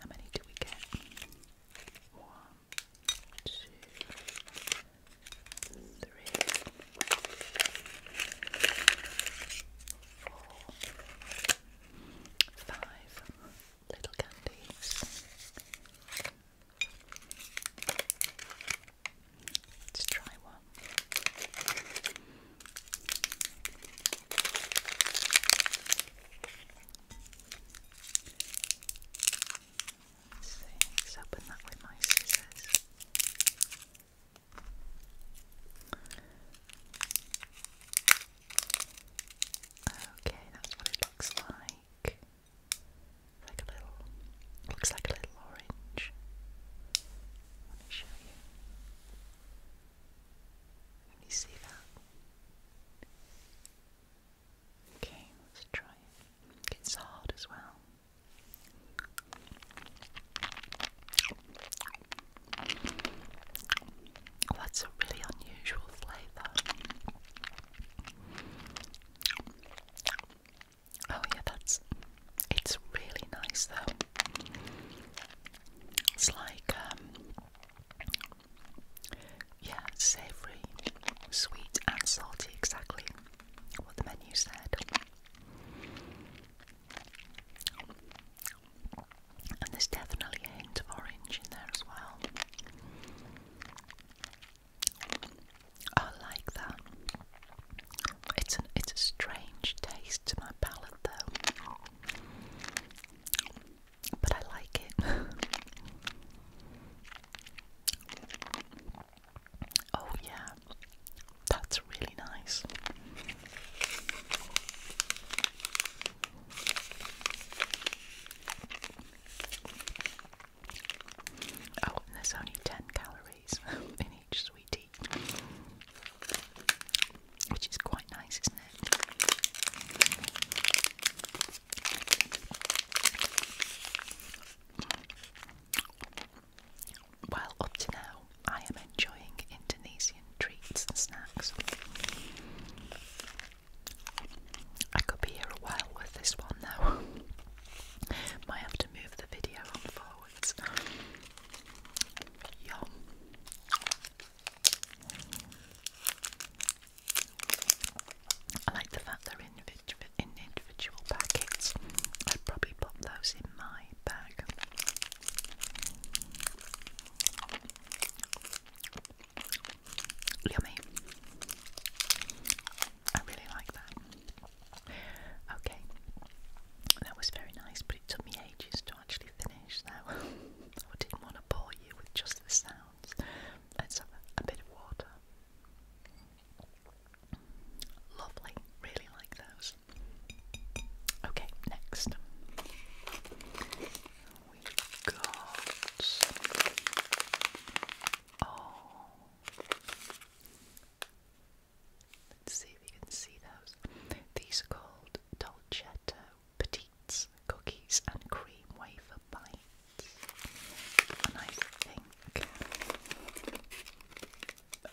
How many do we get? One, two, three, four, five little candies. Let's try one. Let's open that with my scissors. Okay, that's what it looks like. Like a little, looks like a little orange. Let me show you. Can you see that? Okay, let's try It's hard as well. That's a really unusual flavour. Oh yeah, that's it's really nice though. It's like um, yeah, savoury, sweet and salty exactly what the menu said. And there's definitely a hint of orange in there as well. I like that. It's an it's a strange taste to my palate though. But I like it. [LAUGHS] oh yeah. That's really nice. Oh, and there's only 10 calories [LAUGHS] in each sweetie, which is quite nice, isn't it? Well, up to now, I am enjoying Indonesian treats and snacks. I could be here a while with this one though. Might have to move the video forwards. I like the fact they're in individual packets. I'd probably pop those in my bag. Yummy. I really like that. Okay, that was very nice, but it took me ages to actually finish, so [LAUGHS] I didn't want to bore you with just the sounds. Let's have a bit of water. Lovely, really like those. Okay, next we got oh let's see if you can see those. These are called dolcetto petites cookies and cream wafer bites. And I think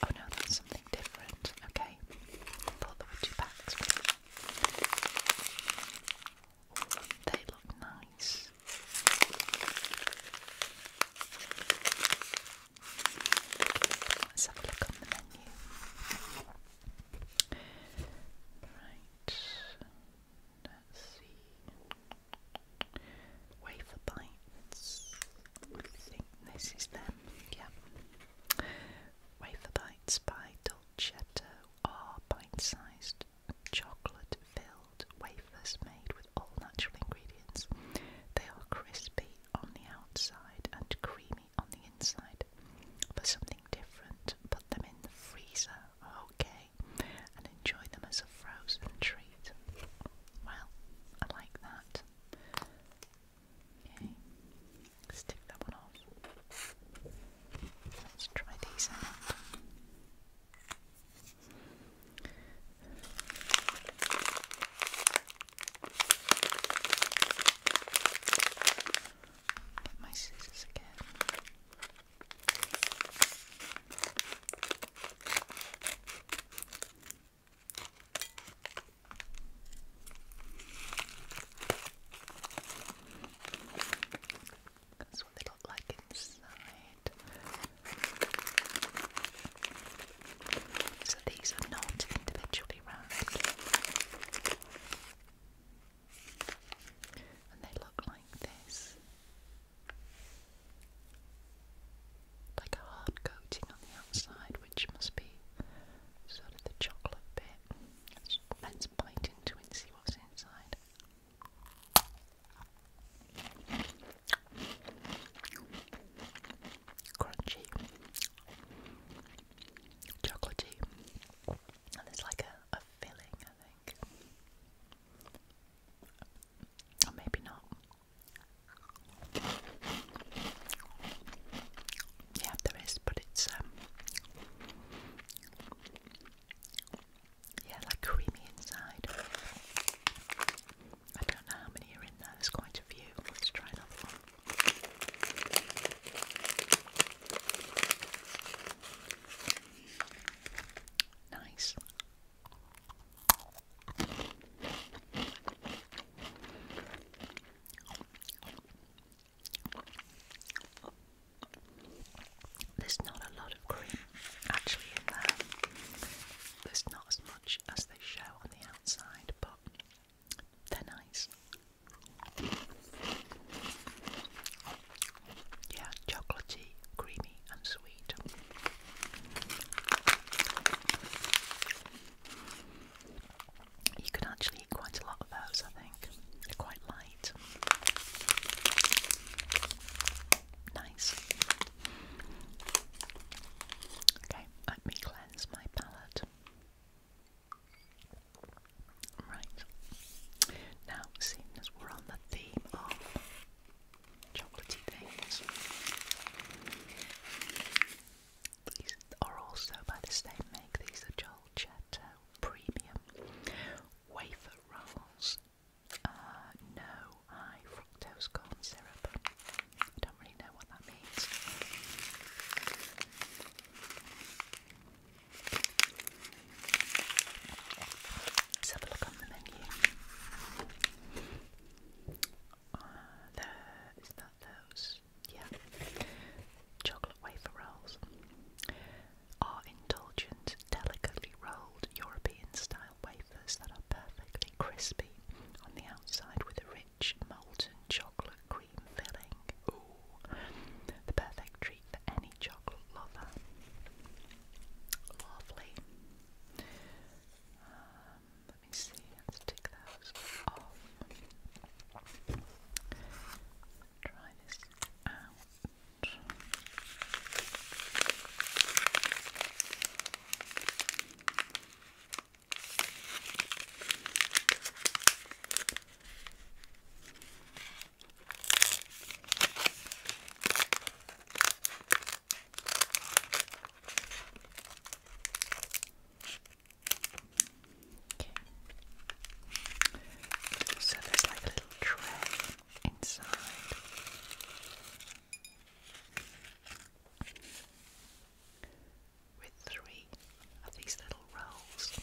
Oh no, that's something different. Okay. I thought two packs. They look nice. Let's have a look on the menu. Right, let's see. Wafer bites. I think this is them. Yeah. Wafer bites by Cheto are bite sized chocolate-filled wafers made with all natural ingredients. They are crispy on the outside and creamy on the inside. For something different, put them in the freezer, okay, and enjoy them as a frozen treat. Well, I like that. Okay, let's take that one off. Let's try these out. my scissors again. That's what they look like inside. So these are not individually wrapped. And they look like this. Like a hard coating on the outside, which must be sort of the chocolate bit bite into it and see what's inside. Crunchy, chocolatey, and there's like a, a filling, I think, or maybe not. Yeah, there is, but it's um, yeah, like creamy inside. I don't know how many are in there. There's quite a few. Let's try another one. Nice. There's not a lot of cream actually in there. There's not as much as they show on the outside, but they're nice. Yeah, chocolatey, creamy, and sweet. You can actually eat quite a lot of those, I think. They're quite light. Nice. Okay, let me cleanse my palate. Right. Now, seeing as we're on the theme of chocolatey things, these are also by the same make. These are Joel Cheddar premium. Wafer rolls, uh, no high fructose corn syrup. I don't really know what that means. Let's have a look on the menu. Uh, there, is that those? yeah, chocolate wafer rolls are indulgent, delicately rolled European style wafers that are perfectly crispy on the outside with a rich molten chocolate cream filling. Ooh, the perfect treat for any chocolate lover. Lovely. Um, let me see, let's tick those off try this out. So there's like a little tray inside. With three of these little rolls.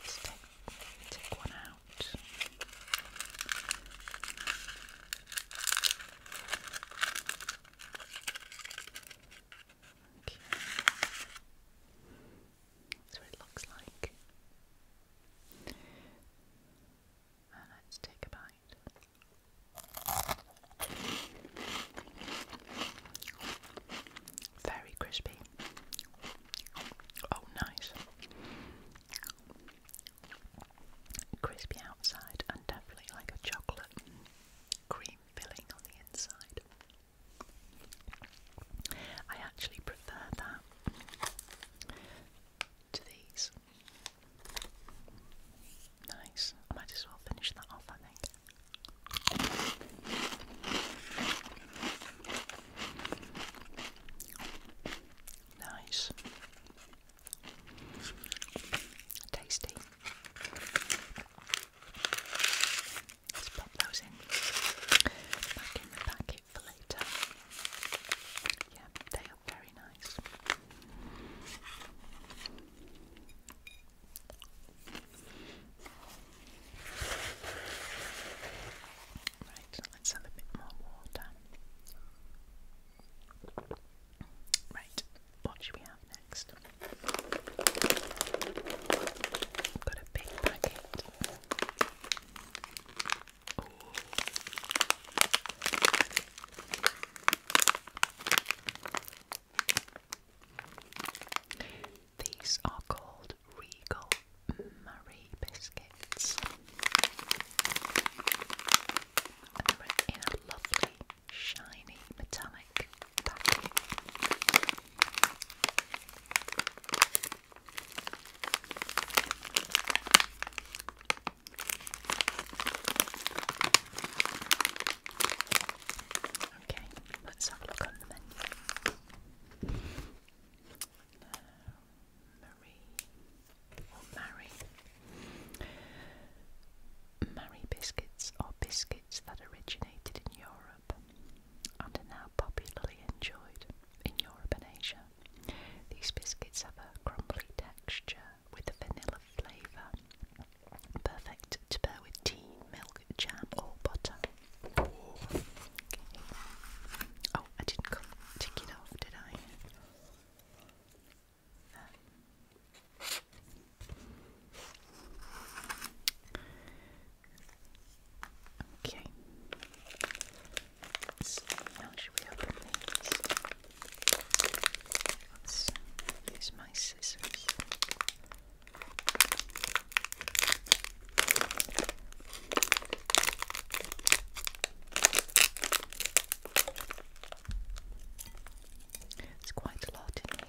Let's take, one out. That's what it looks like. let's take a bite. Very crispy. Oh, nice. Crispy outside and definitely like a chocolate cream filling on the inside. I actually prefer that to these. Nice. I might as well finish that off, I think. Nice. Tasty. Let's pop those in back in the packet for later. Yeah, they are very nice. Right, let's have a bit more water. Right, what should we have next? got a big packet. These are called Regal Marie biscuits. And they're in a lovely, shiny, metallic package. Okay, let's have a look on the menu. Now, uh, Marie or Marie. Marie biscuits are biscuits that originated in Europe and are now popularly enjoyed in Europe and Asia. These biscuits have a crumbly texture with a vanilla flavour, perfect to pair with tea, milk, jam, or butter. Oh, I didn't tick it off, did I? Okay. So how should we open these? Let's use my scissors. It's quite a lot in here.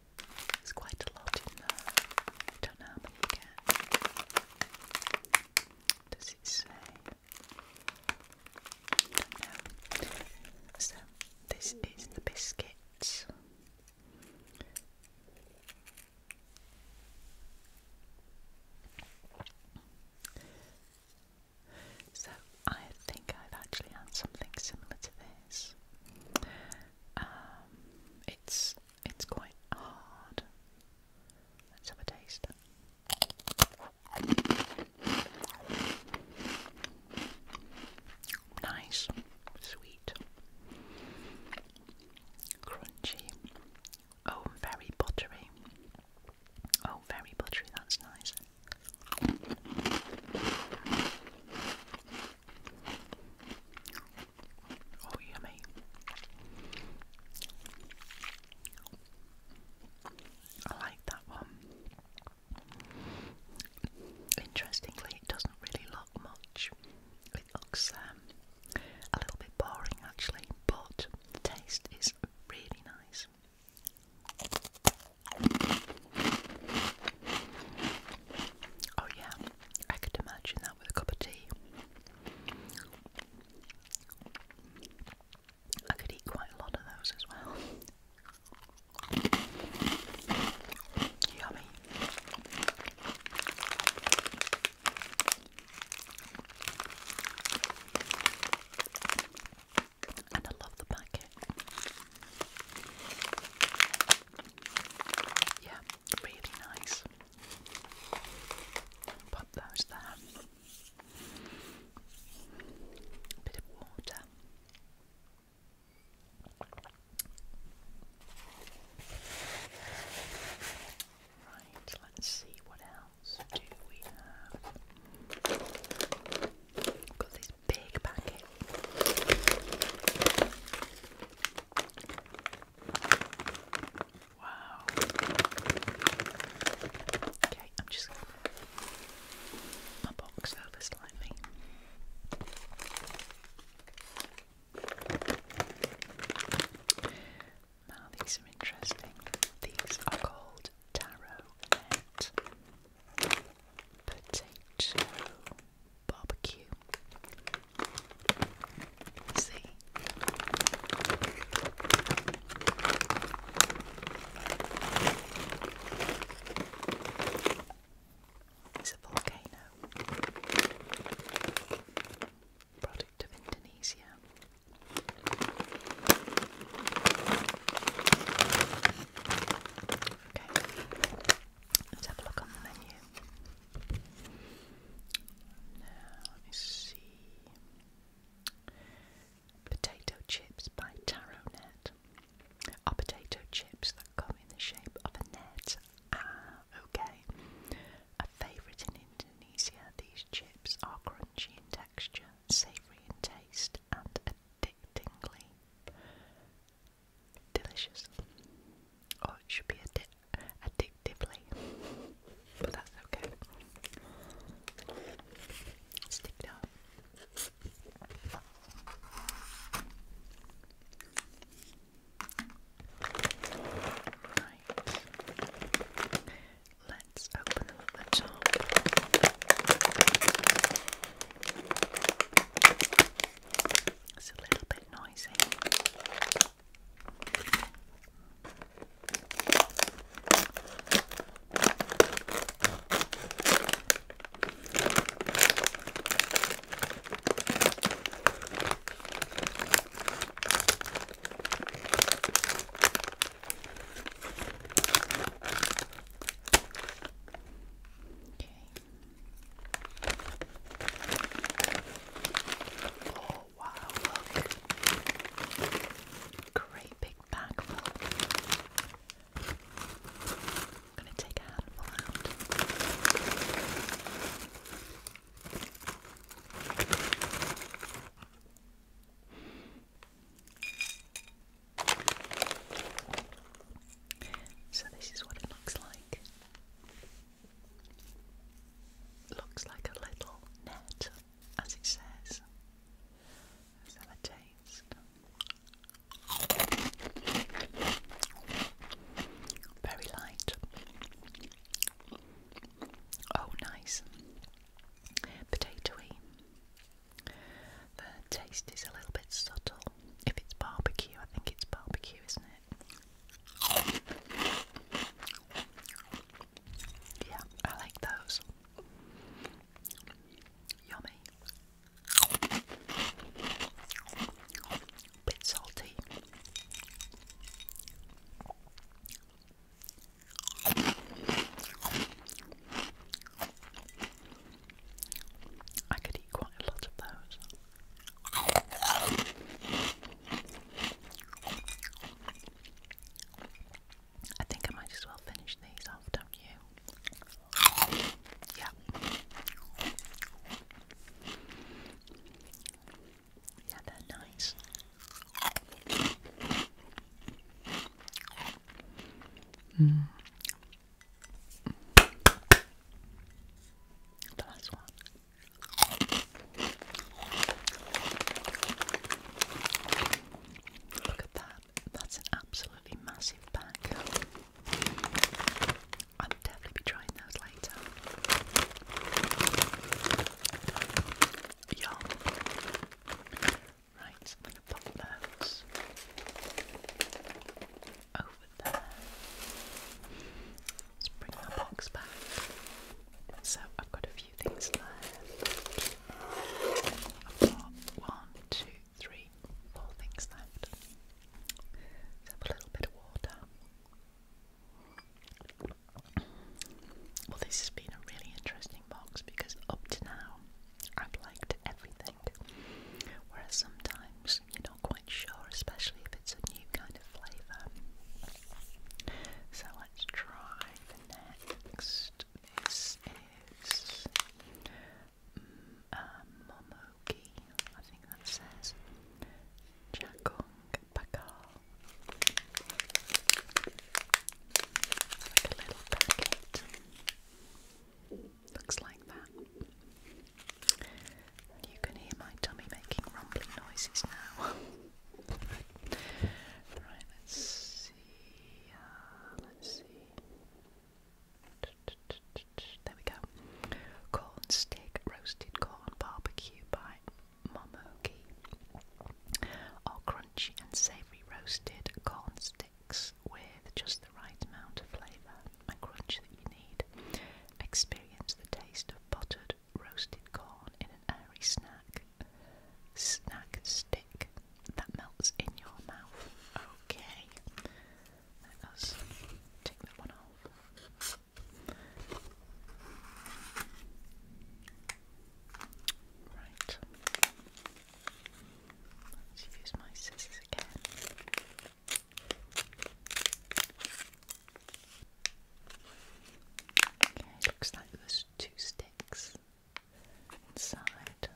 There's quite a lot in there. don't know how Does it say? I So, this is the biscuits. So, I think I've actually had something similar to this. Um, it's it's quite hard. Let's have a taste. Nice, sweet, crunchy. Oh, very buttery. Oh, very buttery. That's nice. Oh, yummy. I like that one. Interestingly, it doesn't really look much. It looks um, a little bit boring actually, but the taste is really nice. Oh, yeah. I could imagine that with a cup of tea. I could eat quite a lot of those as well. Yummy. And I love the packet. Yeah, really nice. Pop those there. bit of water. Right, let's see what else do we have. have got these big packet. Wow. Okay, I'm just my box over slightly. Now these are interesting. These are called tarot net potato barbecue. See. It's a volcano. Product of Indonesia. Okay. Let's have a look on the menu. Now, let me see. Potato chips by Tarot Net are potato chips that come in the shape of a net. Ah, okay. A favourite in Indonesia, these chips are crunchy in texture, savoury in taste, and addictingly delicious. Or it should be addi addictively. [LAUGHS] But that's okay. Stick it up. Right. Let's open the top. It's a little bit bit noisy. Okay. Oh wow, look. Great big bag I'm gonna take a handful out. So, this is what it looks like. Looks like a little net, as it says. have a taste. Very light. Oh, nice. Potatoey. The taste is a little bit subtle. If it's barbecue, I think it's barbecue, isn't it? Yeah, I like those. Yummy. Bit salty. I could eat quite a lot of those. I think I might as well finish these off, don't you? Yeah. Yeah, they're nice. Mm. The last one. Look at that. That's an absolutely massive bag. I'll definitely be trying those later. Yum. Right, I'm going to pop those over Let's bring our box back. So I've got a few things left. one, two, three, four things left. have a little bit of water. Well, this has been a really interesting box because up to now I've liked everything, whereas sometimes you're not quite sure, especially if it's a new kind of flavour. So let's try next. This is mm, um, I think that says Chakung Pakal. Like a little packet. Looks like that. You can hear my tummy making rumbling noises now. [LAUGHS] right, let's see. Uh, let's see. There we go. Corn stick, roasted corn barbecue by Momoki. Or crunchy and savoury roasted corn sticks with just the right amount of flavour and crunch that you need. Experience the taste of buttered roasted corn in an airy snack. Snack stick that melts in your mouth. Okay. Let us take that one off. Right. Let's use my scissors again. Okay, looks like there's two sticks inside.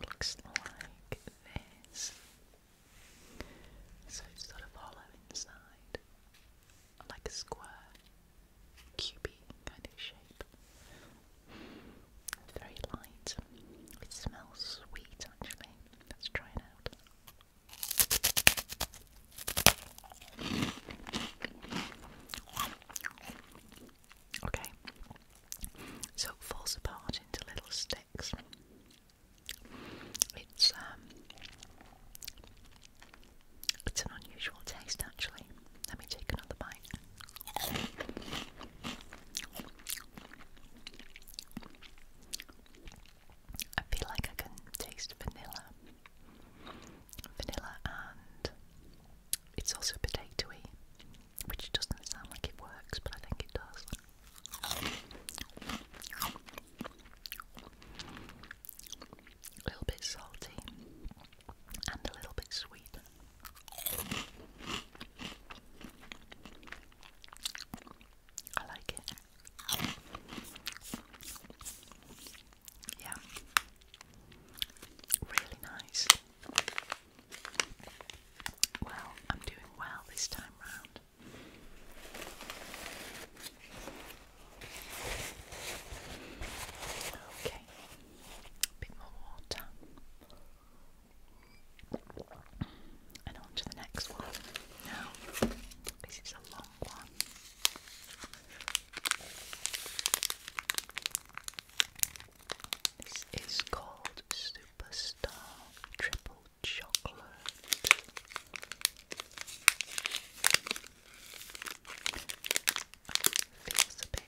Looks like this. So it's sort of hollow inside like a square, cubey kind of shape. very light. It smells sweet actually. Let's try it out. Okay, so it falls apart into little sticks. It's um, it's an unusual taste, actually. Let me take another bite. I feel like I can taste vanilla. Vanilla and it's also potatoey, which doesn't sound like it works, but I think it does a little bit salty and a little bit sweet. I like it. Yeah. Really nice. Well, I'm doing well this time round. Okay, a bit more water. And on to the next one. Now, this is a long one. This is called Superstar Triple Chocolate. Feels a bit,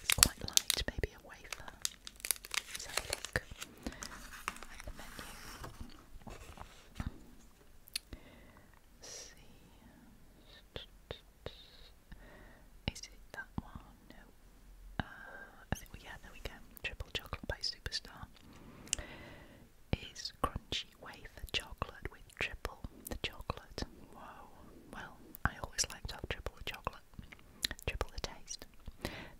it's quite light, maybe a wafer. let look at the menu. see. Is it that one? No. Uh, I think, well, yeah, there we go. Triple chocolate by Superstar is crunchy wafer chocolate with triple the chocolate. Wow. Well, I always like to triple the chocolate, triple the taste.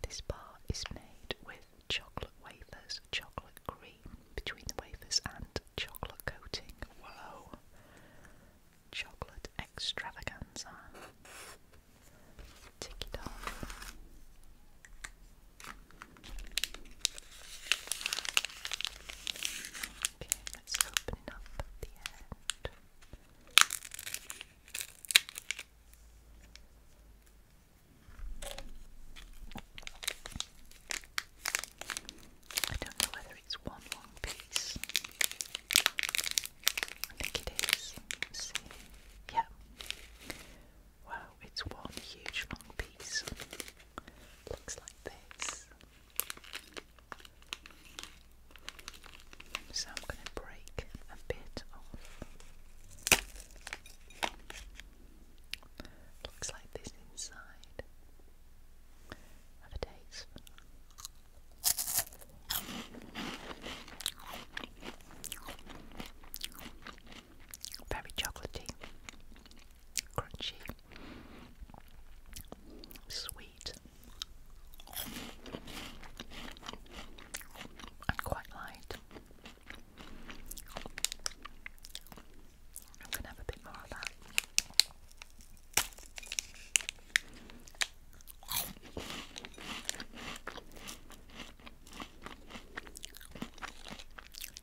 This bar is made with chocolate wafers, chocolate cream between the wafers, and chocolate coating. Wow. Chocolate extravaganza. Tick it off. Okay, let's open up the end. I don't know whether it's one long piece. I think it see. Yeah. Wow, it's one huge long piece. Looks like this. So I'm going to break a bit off. Looks like this inside. Have a taste. Very chocolatey crunchy, sweet, and quite light. I'm have a bit more of that.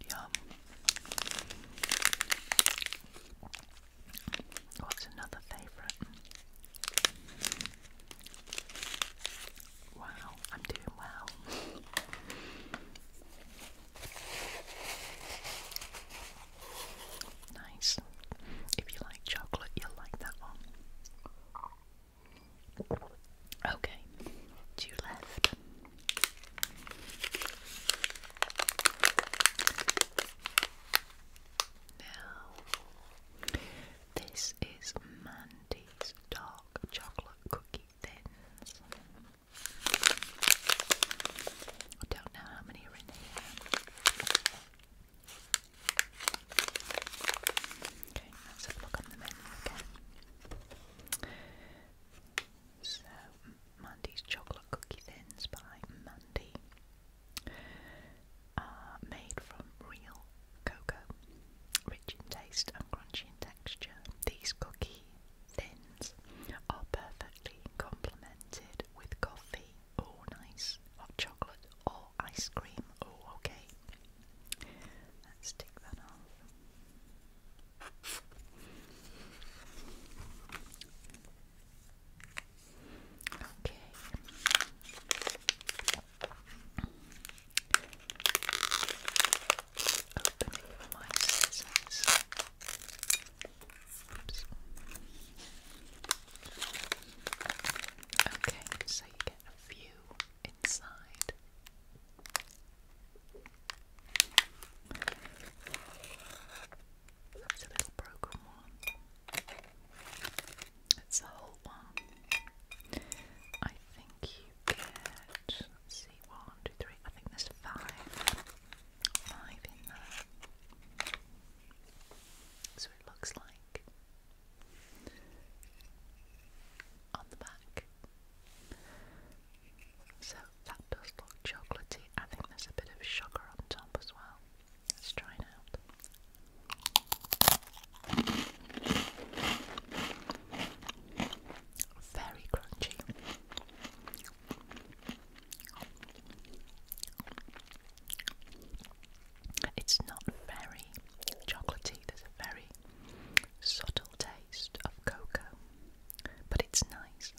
Yum. What's another favourite? Wow, I'm doing well. nice. If you like chocolate, you'll like that one. Okay, two left. Now, this is Mandy's dark chocolate cookie thins. I don't know how many are in here. Okay, let's look on the menu again. So, um, Mandy's chocolate cookie thins by Mandy are uh, made from real cocoa, rich in taste and crunchy texture. These cookie thins are perfectly complemented with coffee. Oh, nice! Hot chocolate or ice cream. Oh, okay. Let's take that off. Okay. Opening my scissors. Okay, so you get a view inside. It's a little broken It's a whole one. I think you get, let one, two, three, I think there's five. Five in there. So it looks like on the back. So that does look chocolatey. I think there's a bit of sugar on top as well. Let's try it out. Very crunchy. It's not very chocolatey, there's a very subtle taste of cocoa, but it's nice.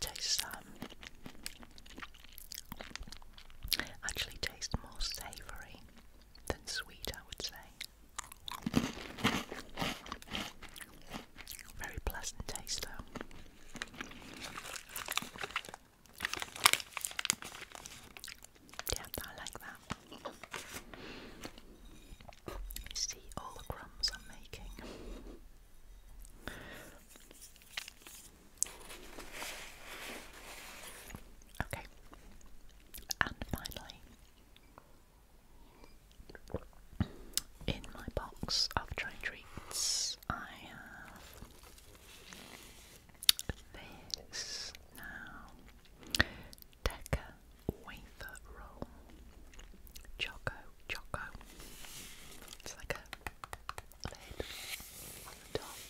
Tastes um actually tastes more savoury than sweet I would say. Very pleasant taste though. Yeah, I like that. You see all the crumbs I'm making. Okay, and finally, in my box of dry treats, I have this now. Decker wafer roll. Choco, choco. It's like a lid on top.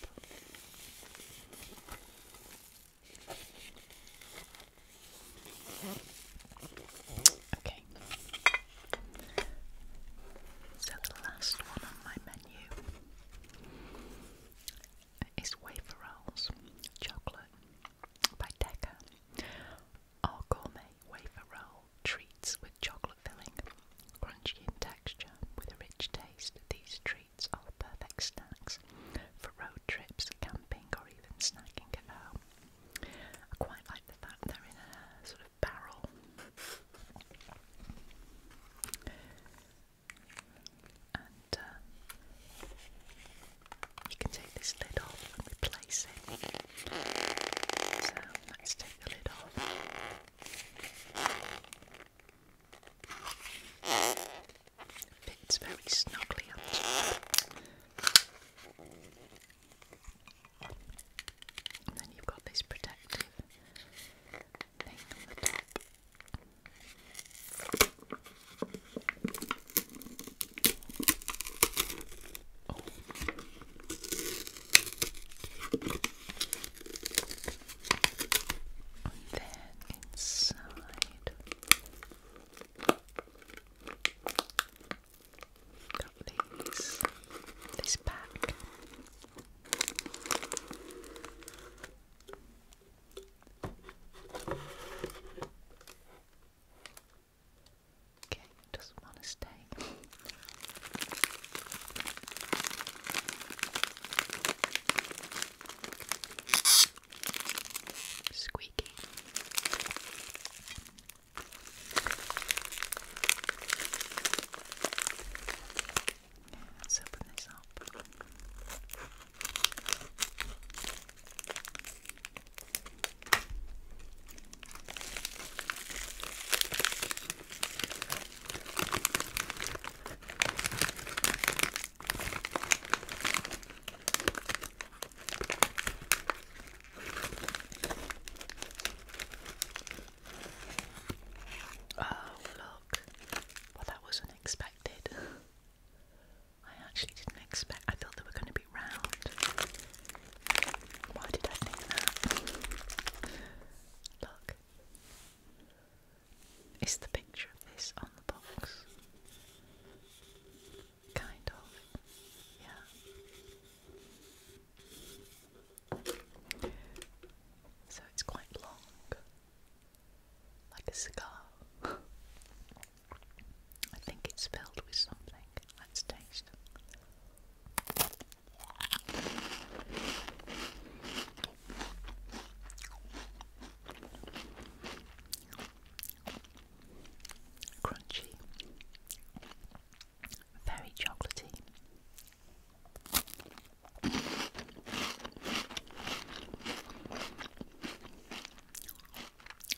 Okay. So the last one on my menu is wafer rolls, chocolate by Decca are gourmet wafer roll treats with chocolate filling. Crunchy in texture with a rich taste, these treats are the perfect snacks for road trips, camping, or even snacking at home. I quite like the fact they're in a sort of barrel. Um, you can take this lid off and replace it. So let's take the lid off. fits very snugly on top. And then you've got this protective thing Oh. And then inside got these this pack. Okay, it does want to stay. Squeaky. Okay, let's open this up. Oh, look. Well, that was not expected. [LAUGHS] I actually didn't expect. I thought they were going to be round. Why did I think that? Look. Is the picture of this on the box? Kind of. Yeah. So it's quite long. Like a cigar. [LAUGHS] I think it's spelled with something. Let's taste. Crunchy, very chocolatey.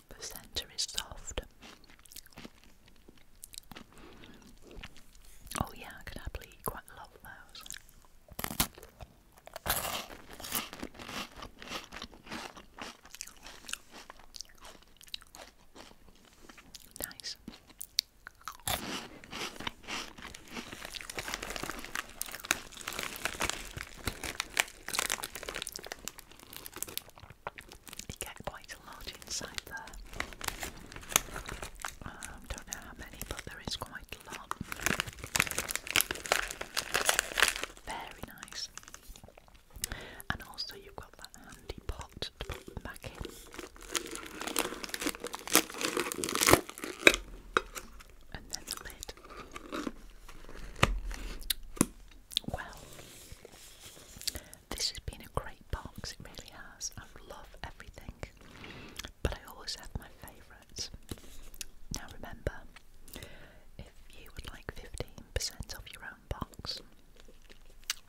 The centre is soft. Oh, yeah, I could happily eat quite a lot of those. Nice. You get quite a lot inside there. Um, don't know how many, but there is quite a lot. Very nice. And also, you've got that handy pot to put them back in. And then the lid. Well, this has been a great box, it really has. I love everything, but I always have my favourites. Now, remember, if you would like 15% off your own box,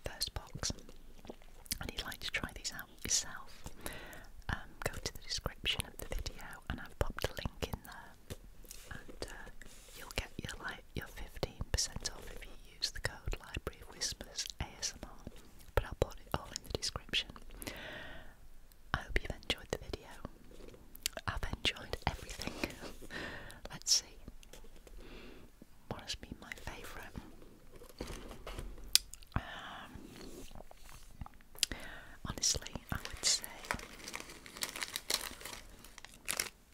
first box, and you'd like to try these out yourself, um, go to the description of the video and I've popped a link in there uh, you'll get your like your 15% off if you use the code Library Whispers ASMR. But I'll put it all in the description. I hope you've enjoyed the video. I've enjoyed everything. [LAUGHS] Let's see. What has been my favourite? Um, honestly, I would say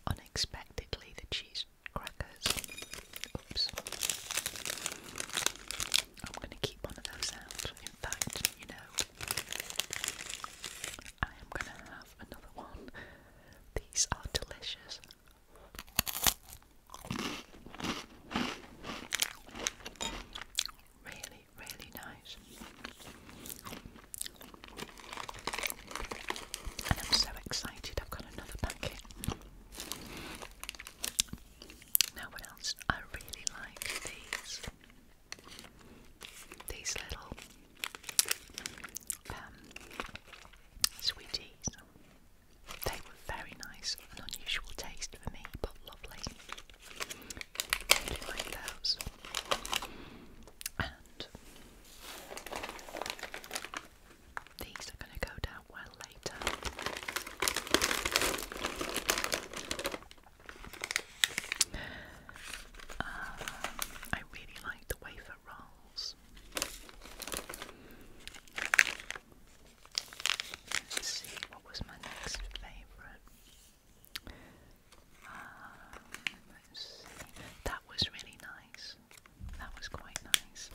unexpectedly the cheese crackers. Oops. I'm going to keep one of those out. In fact, you know, I am going to have another one. These are delicious. Really, really nice. I'm so excited, I've got another packet. Now, what else? I really like these. These little um, sweeties. They were very nice, an unusual taste for me, but lovely. I like those. These are going to go down well later. Um, I really like the wafer rolls. Let's see what was my next favourite. That was really nice. That was quite nice.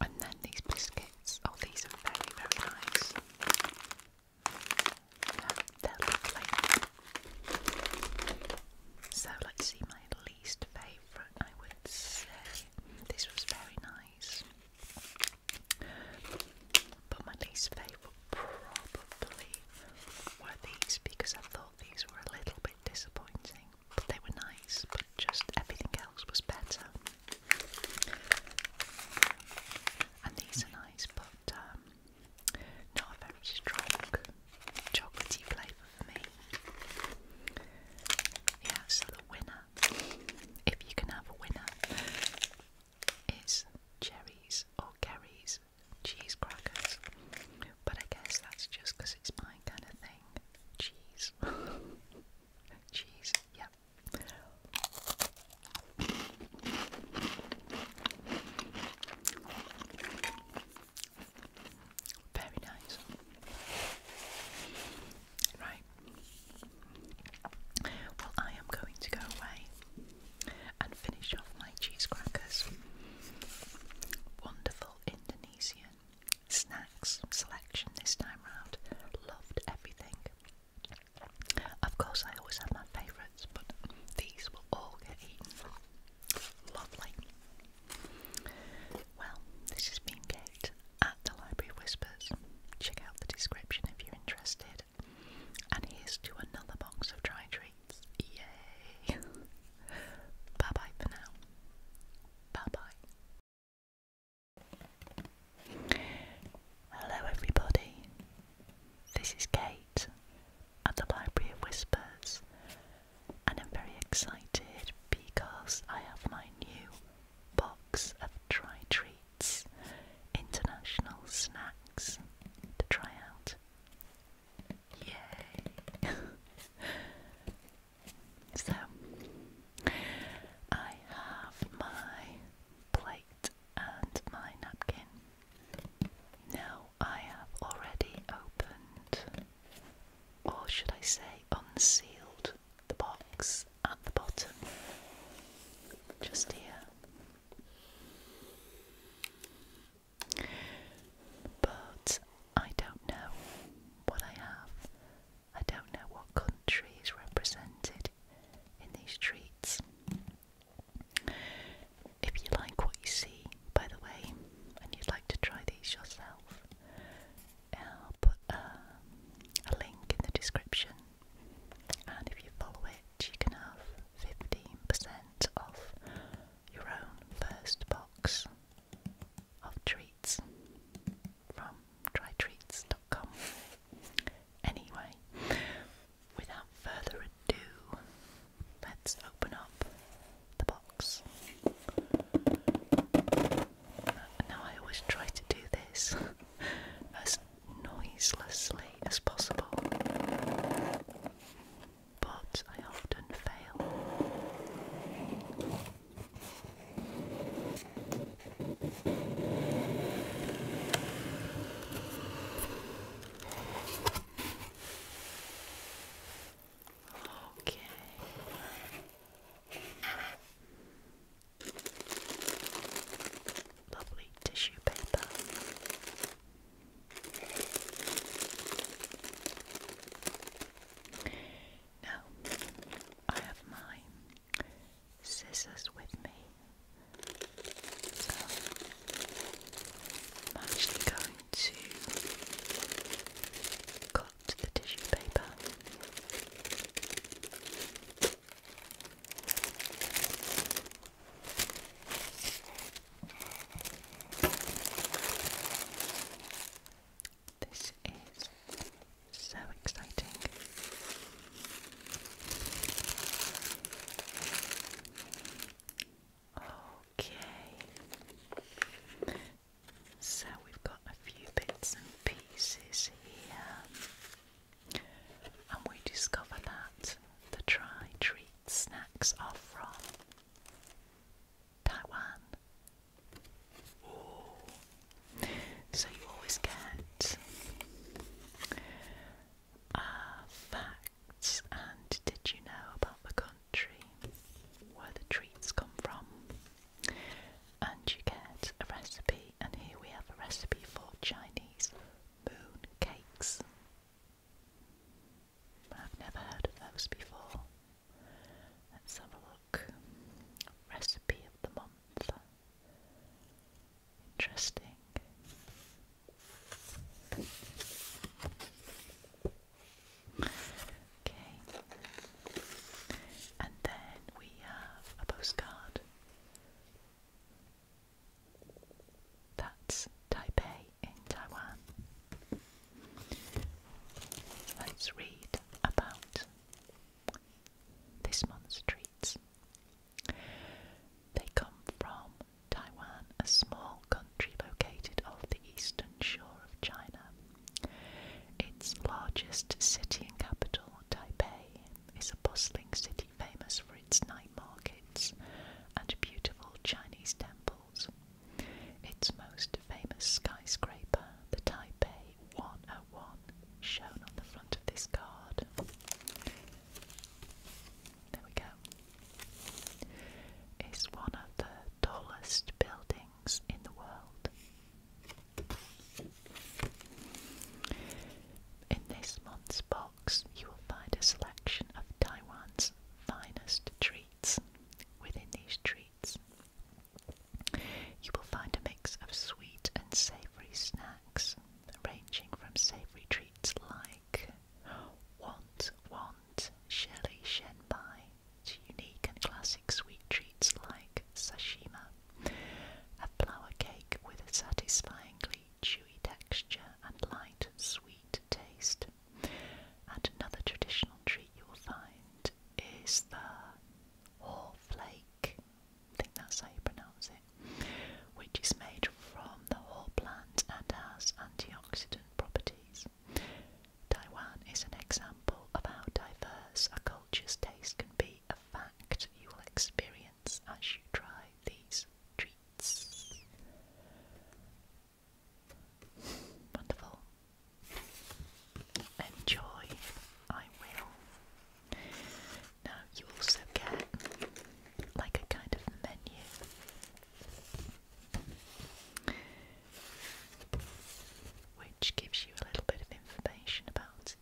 And then these biscuits. Oh, these are very, very nice. they're lovely. So let's see my least favourite. I would say this was very nice. But my least favourite probably were these because I thought these were a little bit disappointing. But they were nice, but just everything else was better. And these are nice, but um, not very strong chocolatey flavour for me. Yeah, so the winner, if you can have a winner, is cherries or kerries cheese crackers. But I guess that's just it's my kind of thing. Cheese. [LAUGHS] cheese, yep. Very nice. Right. Well, I am going to go away and finish off cheese crackers. Wonderful Indonesian snacks selection this time round. Loved everything. Of course, I always have my favourites, but these will all get eaten. Lovely. Well, this has been Kate at the Library Whispers. Check out the description if you're interested. And here's to another box of dry treats. Yay! [LAUGHS] bye bye for now. Bye bye. Hello, everybody. This is Kate at the Library of Whispers, and I'm very excited because I have my new box of dry treats, international snacks to try out. Yeah. [LAUGHS] so, I have my plate and my napkin. Now, I have already opened, or should I say, unsealed the box at the bottom, just here. But I don't know what I have. I don't know what country is represented in these treats. If you like what you see, by the way, and you'd like to try these yourself, I'll put um, a, link in the description. And if you follow it, you can have 15% off your own first box of treats from trytreats.com. Anyway, without further ado, let's open up the box. Now, I always try to do this [LAUGHS] as noiselessly as possible but I often fail. Okay. Lovely tissue paper. Now, I have my scissors with me, so I'm actually going to cut the tissue paper. This is so exciting. Okay. So we've got a few bits and pieces here, and we discover that the dry treat snacks are from Taiwan. So you always get uh, facts and did you know about the country where the treats come from? And you get a recipe, and here we have a recipe for Chinese moon cakes. I've never heard of those before. Let's have a look. Recipe of the month. Interesting. Okay. And then we have a postcard. That's Taipei in Taiwan. Let's read about this month's treats. They come from Taiwan, a small country located off the eastern shore of China. Its largest city and capital, Taipei, is a bustling city famous for its night markets and beautiful Chinese temples. Its most famous skyscraper, the Taipei 101, shown on the front of this card. There we go. It's one of the tallest buildings in the world. In this month's box, you will find a selection of Taiwan's finest treats. Within these treats, you will find a mix of sweet and savoury snacks, ranging from savoury treats like want, want, shelly, shenbai, to unique and classic sweet treats like sashima, a flour cake with a satisfyingly chewy texture and light, sweet taste. And another traditional treat you will find is the horflake, I think that's how you pronounce it, which is made from the haw plant and has antioxidant properties. Taiwan is an example of how diverse a culture's taste can be, a fact you will experience as you try these treats. Wonderful. Enjoy, I will. Now, you also get like a kind of menu which gives you a little bit of information about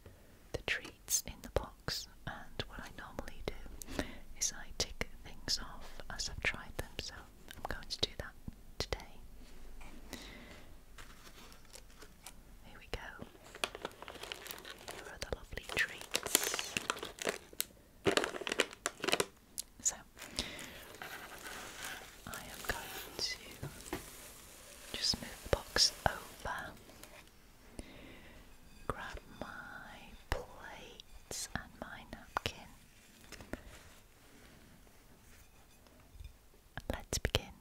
the treats in the box. And what I normally do is I tick things off as I've tried them, so I'm going to do that today. Here we go. Here are lovely treats. So, I am going to just move the box over, grab my plates and my napkin, Let's begin.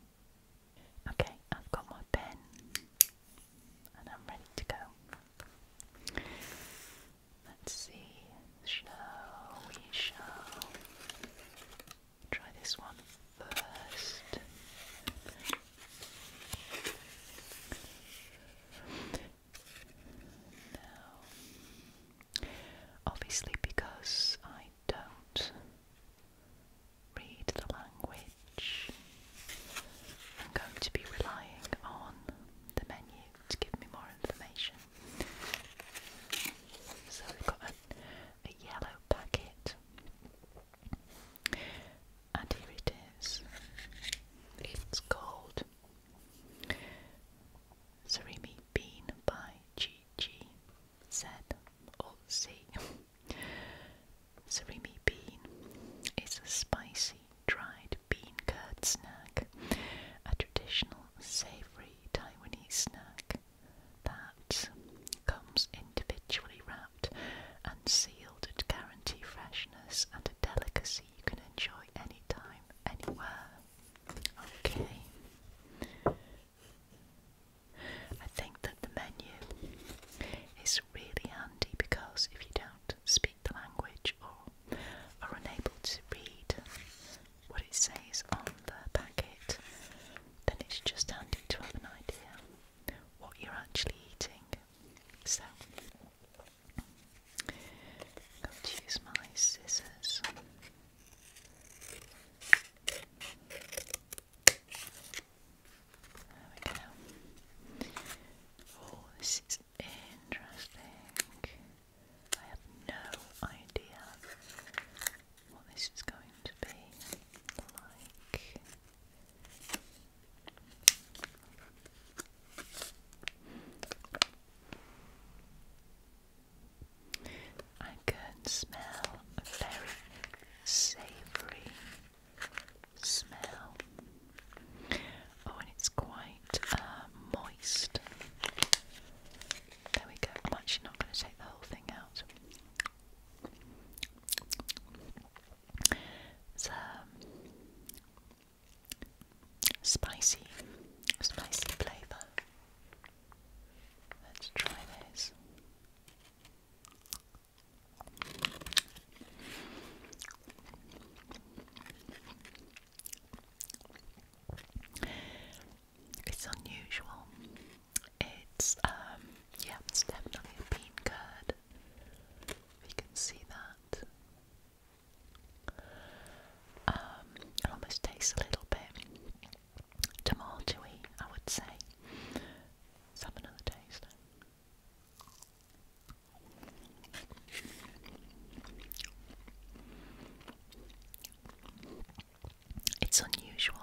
Okay, I've got my pen and I'm ready to go. Let's see, shall we shall try this one first? Now, Obviously, because I don't read the language, I'm going to be relying on the menu to give me more information. So we've got a, yellow packet, and here it is. It's called Surimi Bean by G. G, Z, or Z. [LAUGHS] Surimi bean is a spicy dried bean curd snack, a traditional savoury Taiwanese snack that comes individually wrapped and sealed to guarantee freshness and a delicacy you can enjoy anytime, anywhere. Okay. I think that the menu is really handy because if you don't speak the language or are unable to read what it says on the packet, then it's just handy to have an idea what you're actually eating. So, I'm use my scissors. Oh, this is interesting. I have no idea what this is going to be like. I can smell a very savoury smell. Oh, and it's quite uh, moist. There we go. I'm actually not going to take the whole thing out. It's a um, spicy, spicy flavour. Let's try this. It's unusual. It's um, yeah, it's definitely a bean curd. If you can see that. Um, it almost tastes a little bit tomatoey, I would say. Let's have another taste. It's unusual.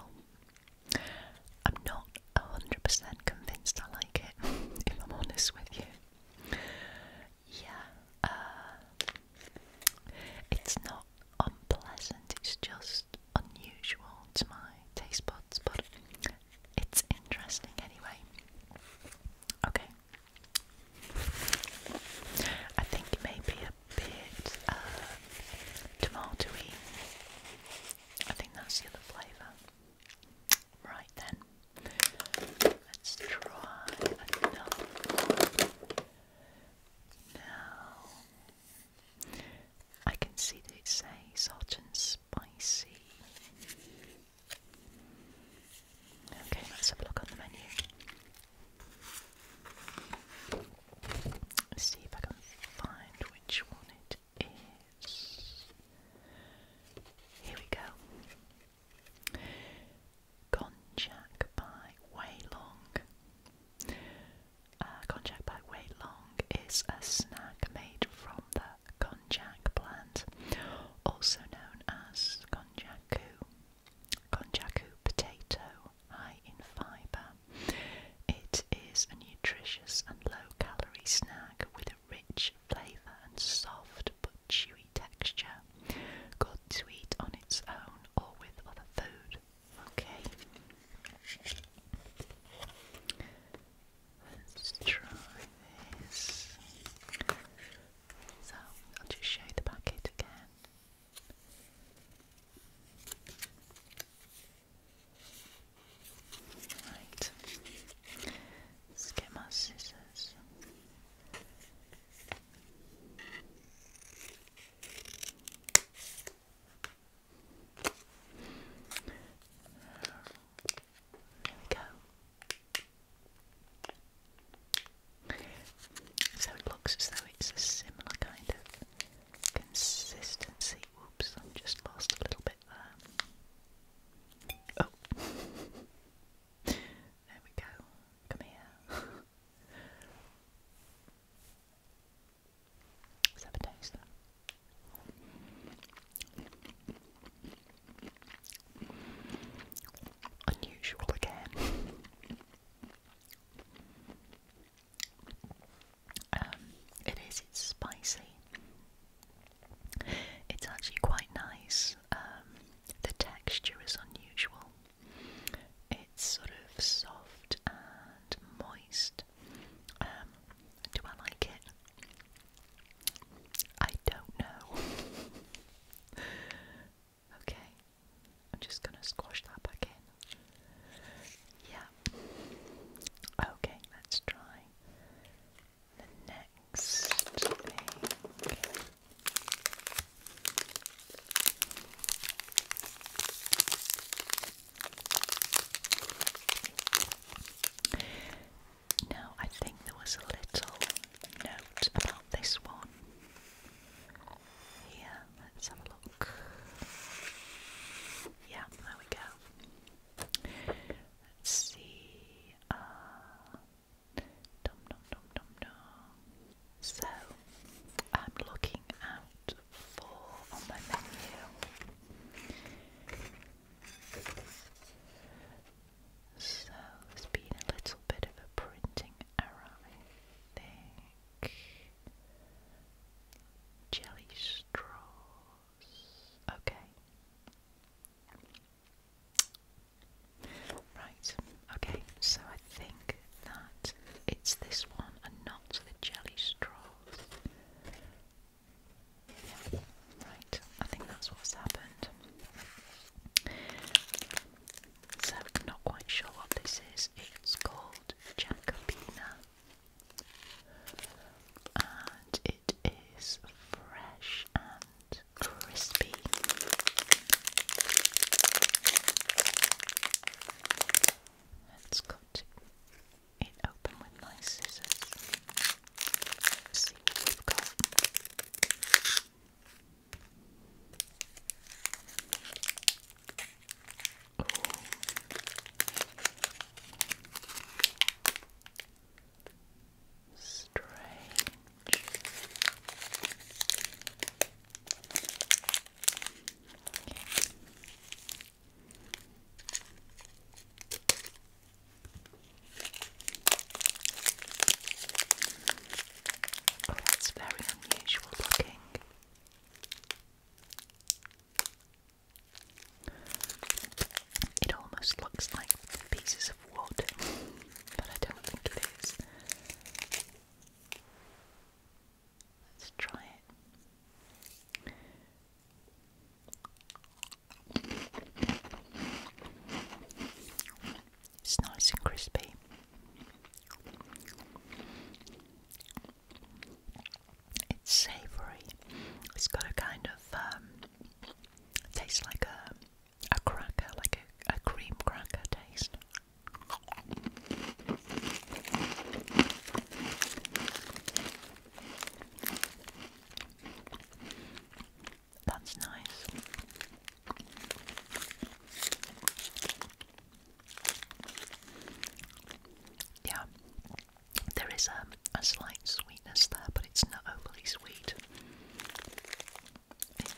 I'm not a hundred percent convinced I like it, [LAUGHS] if I'm honest with you. Yeah, uh, it's not unpleasant, it's just unusual to my taste buds, but it's interesting anyway. Okay. I think it may be a bit uh, tomatoey. I think that's the other flavour. Right then, let's try another. Now, I can see they say says hot and spicy. Okay, let's have a look on the menu. see if I can find which one it is. Here we go. Gonjak by Waylong. Uh, konjac by Wei Long is a snack made from the konjac plant, also known as konjaku. Konjaku potato, high in fiber. It is a nutritious and low-calorie snack with a rich flavour and soft but chewy texture. Good to eat on its own or with other food. Okay. Let's try this. So I'll just show the packet again. Right. Let's get my scissors. There we go. So it looks as though it's a similar kind of consistency. Whoops, i just lost a little bit there. Oh. [LAUGHS] there we go. Come here. [LAUGHS] Unusual again. Um, it is, it's spicy. It's actually quite nice. Um, the texture is unusual. It's sort of soft and moist. Um, do I like it? I don't know. [LAUGHS] okay, I'm just gonna squash that back in. Yeah. Okay, let's try the next now, I think there was a little note about this one. Here, let's have a look. Yeah, there we go. Let's see. Uh, dum dum dum dum so I'm looking out for on my menu. So there's been a little bit of a printing error, I think. Jelly straws. Okay. Right. Okay. So I think that it's this one and not the jelly straws. right, I think that's what's happened. So, I'm not quite sure what this is. It's called Jacobina and it is fresh and crispy. Let's cut it open with my scissors. see what we've got. Strange. Oh, that's very unusual looking. It almost looks like pieces of wood, [LAUGHS] but I don't think it is. Let's try it. It's nice and crispy. It's savoury. It's got a kind of um, tastes like a a cracker, like a, a cream cracker taste. That's nice. Yeah, there is a, um, a slight sweetness there, but it's not overly sweet.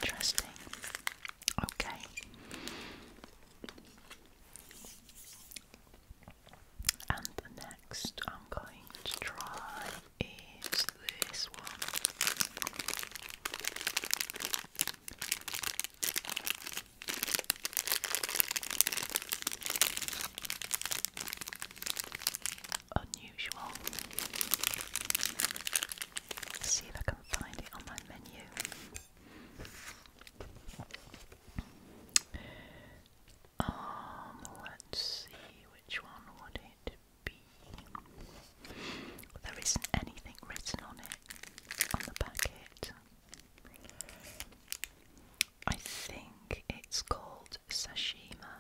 Interesting. Okay. And the next I'm going to try is this one. Unusual. see if I can find it on my menu. Um, let's see which one would it be. There isn't anything written on it, on the packet. I think it's called Sashima.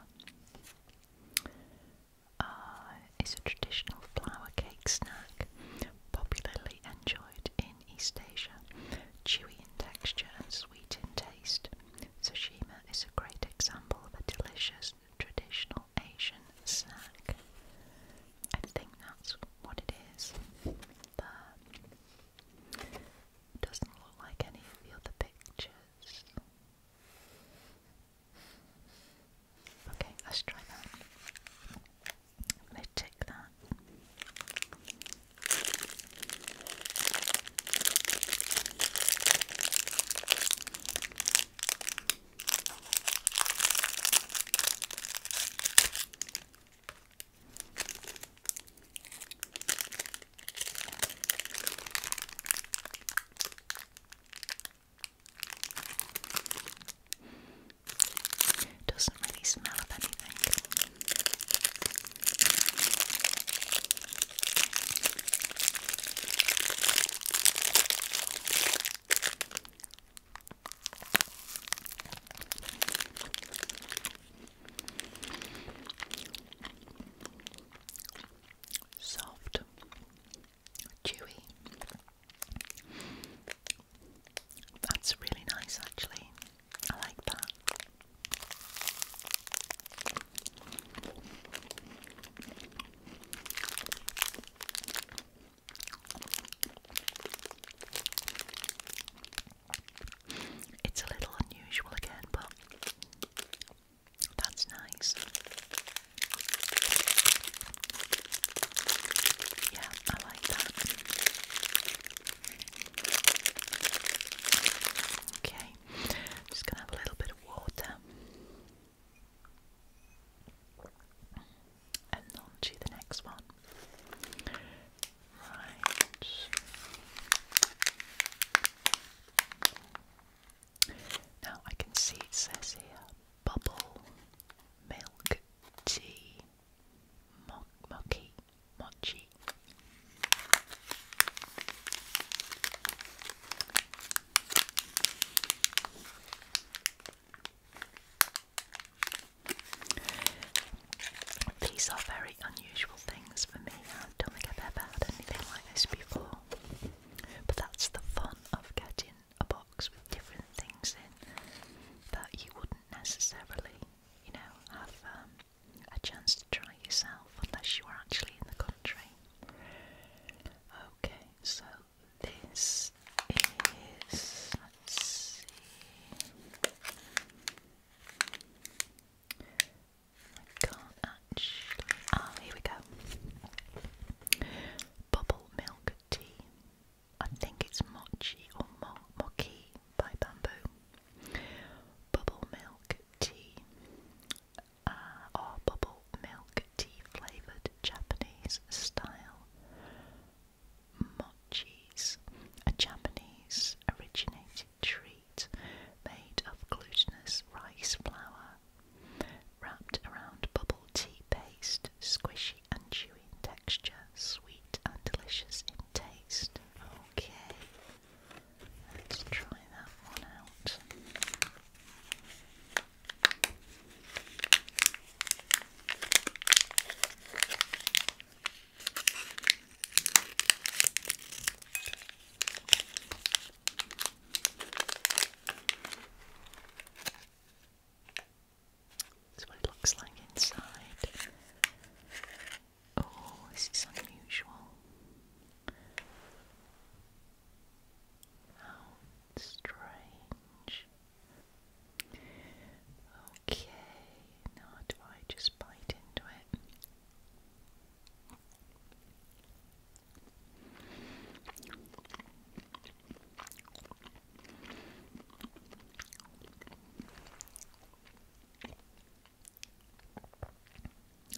Uh, it's a traditional flour cake snack, popularly enjoyed in East Asia, chewy in texture and sweet in taste. Sashima is a great example of a delicious traditional Asian snack. I think that's what it is. There. Doesn't look like any of the other pictures. Okay, let's try that. Let's check that. Doesn't really smell of anything. Soft, chewy, that's really nice actually. I like that. It's a little unusual again, but that's nice. Yeah, I like that. Okay, i just gonna have a little bit of water and on to the next one. Right. Now I can see it says here bubble milk tea mochi, mochi. These are very unusual things for me. I don't think I've ever had anything like this before. But that's the fun of getting a box with different things in that you wouldn't necessarily, you know, have um, a chance to try yourself unless you are actually in the country. Okay, so this is, let's see, I can't actually, ah, here we go. Bubble milk tea. I think it's mochi or mo mochi by Bamboo. Bubble milk tea uh, or bubble milk tea flavoured Japanese style mochis, a Japanese originated treat made of glutinous rice flour wrapped around bubble tea paste, squishy and chewy texture, sweet and delicious in taste. Okay, let's try that one out. That's what it looks like inside. Oh, this is unusual. How strange. Okay, now do I just bite into it?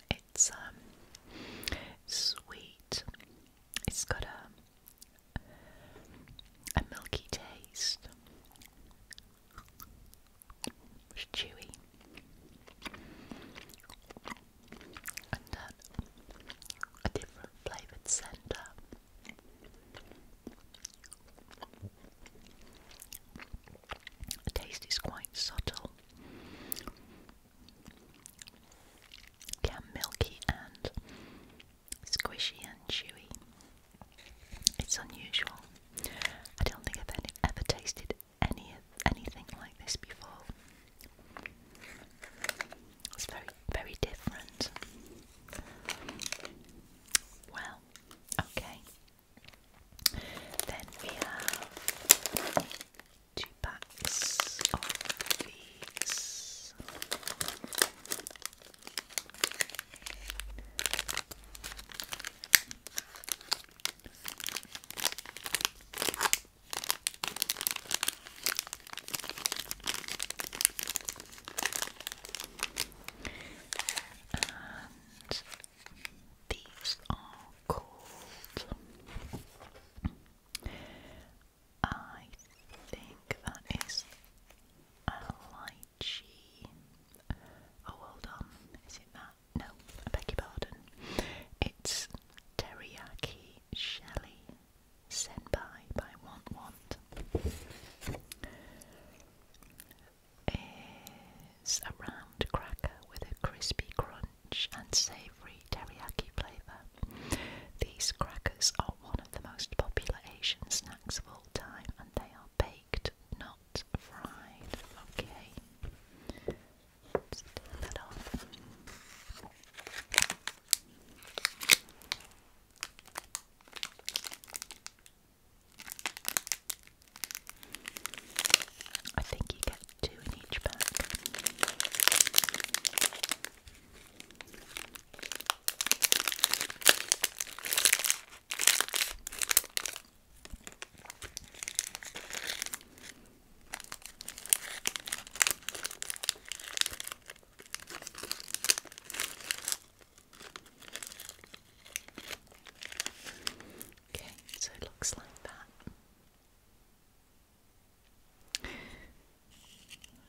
It's um, sweet. It's got a a milky taste. It's chewy. And uh, a different flavoured centre. The taste is quite subtle. Yeah, milky and squishy and chewy. It's unusual. I don't think I've ever tasted any anything like this before. It's very, very different. Well, okay. Then we have two packs of these. These are called. I think that is a lychee. Oh, hold on. Is it that? No, I beg It's teriyaki shelly senpai by Want Want is a round cracker with a crispy crunch and savory teriyaki flavour. These crackers are one of the most popular Asian snacks of all time and they are baked, not fried. Okay. let turn that off. I think you get two in each bag. Okay, so it looks like that.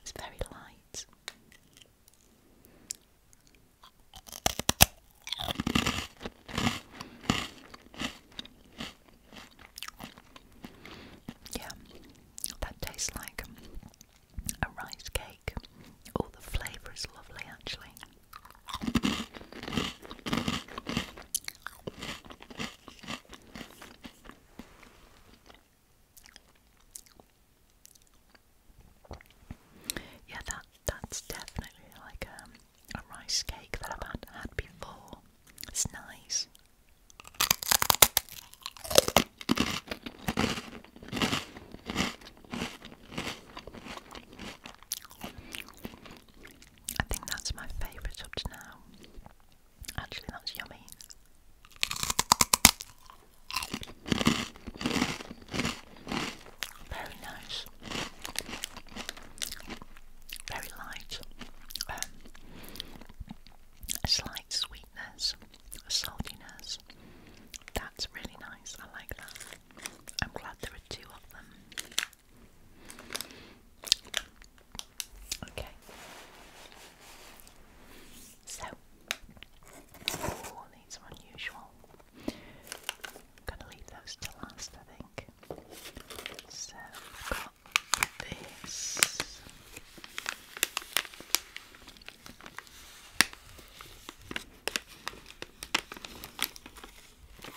It's very light. Yeah, that tastes like a rice cake. Oh, the flavour is lovely actually. Yeah, that that's definitely like um, a rice cake that I've had, had before. It's nice. I think that's my favourite up to now. Actually, that's yummy. Very nice. Very light. Um, a slight sweetness, a saltiness. That's really nice. I like that. I'm glad there are two of them. Okay. So, oh, these are unusual. I'm going to leave those to last, I think. So, I've got this. Okay,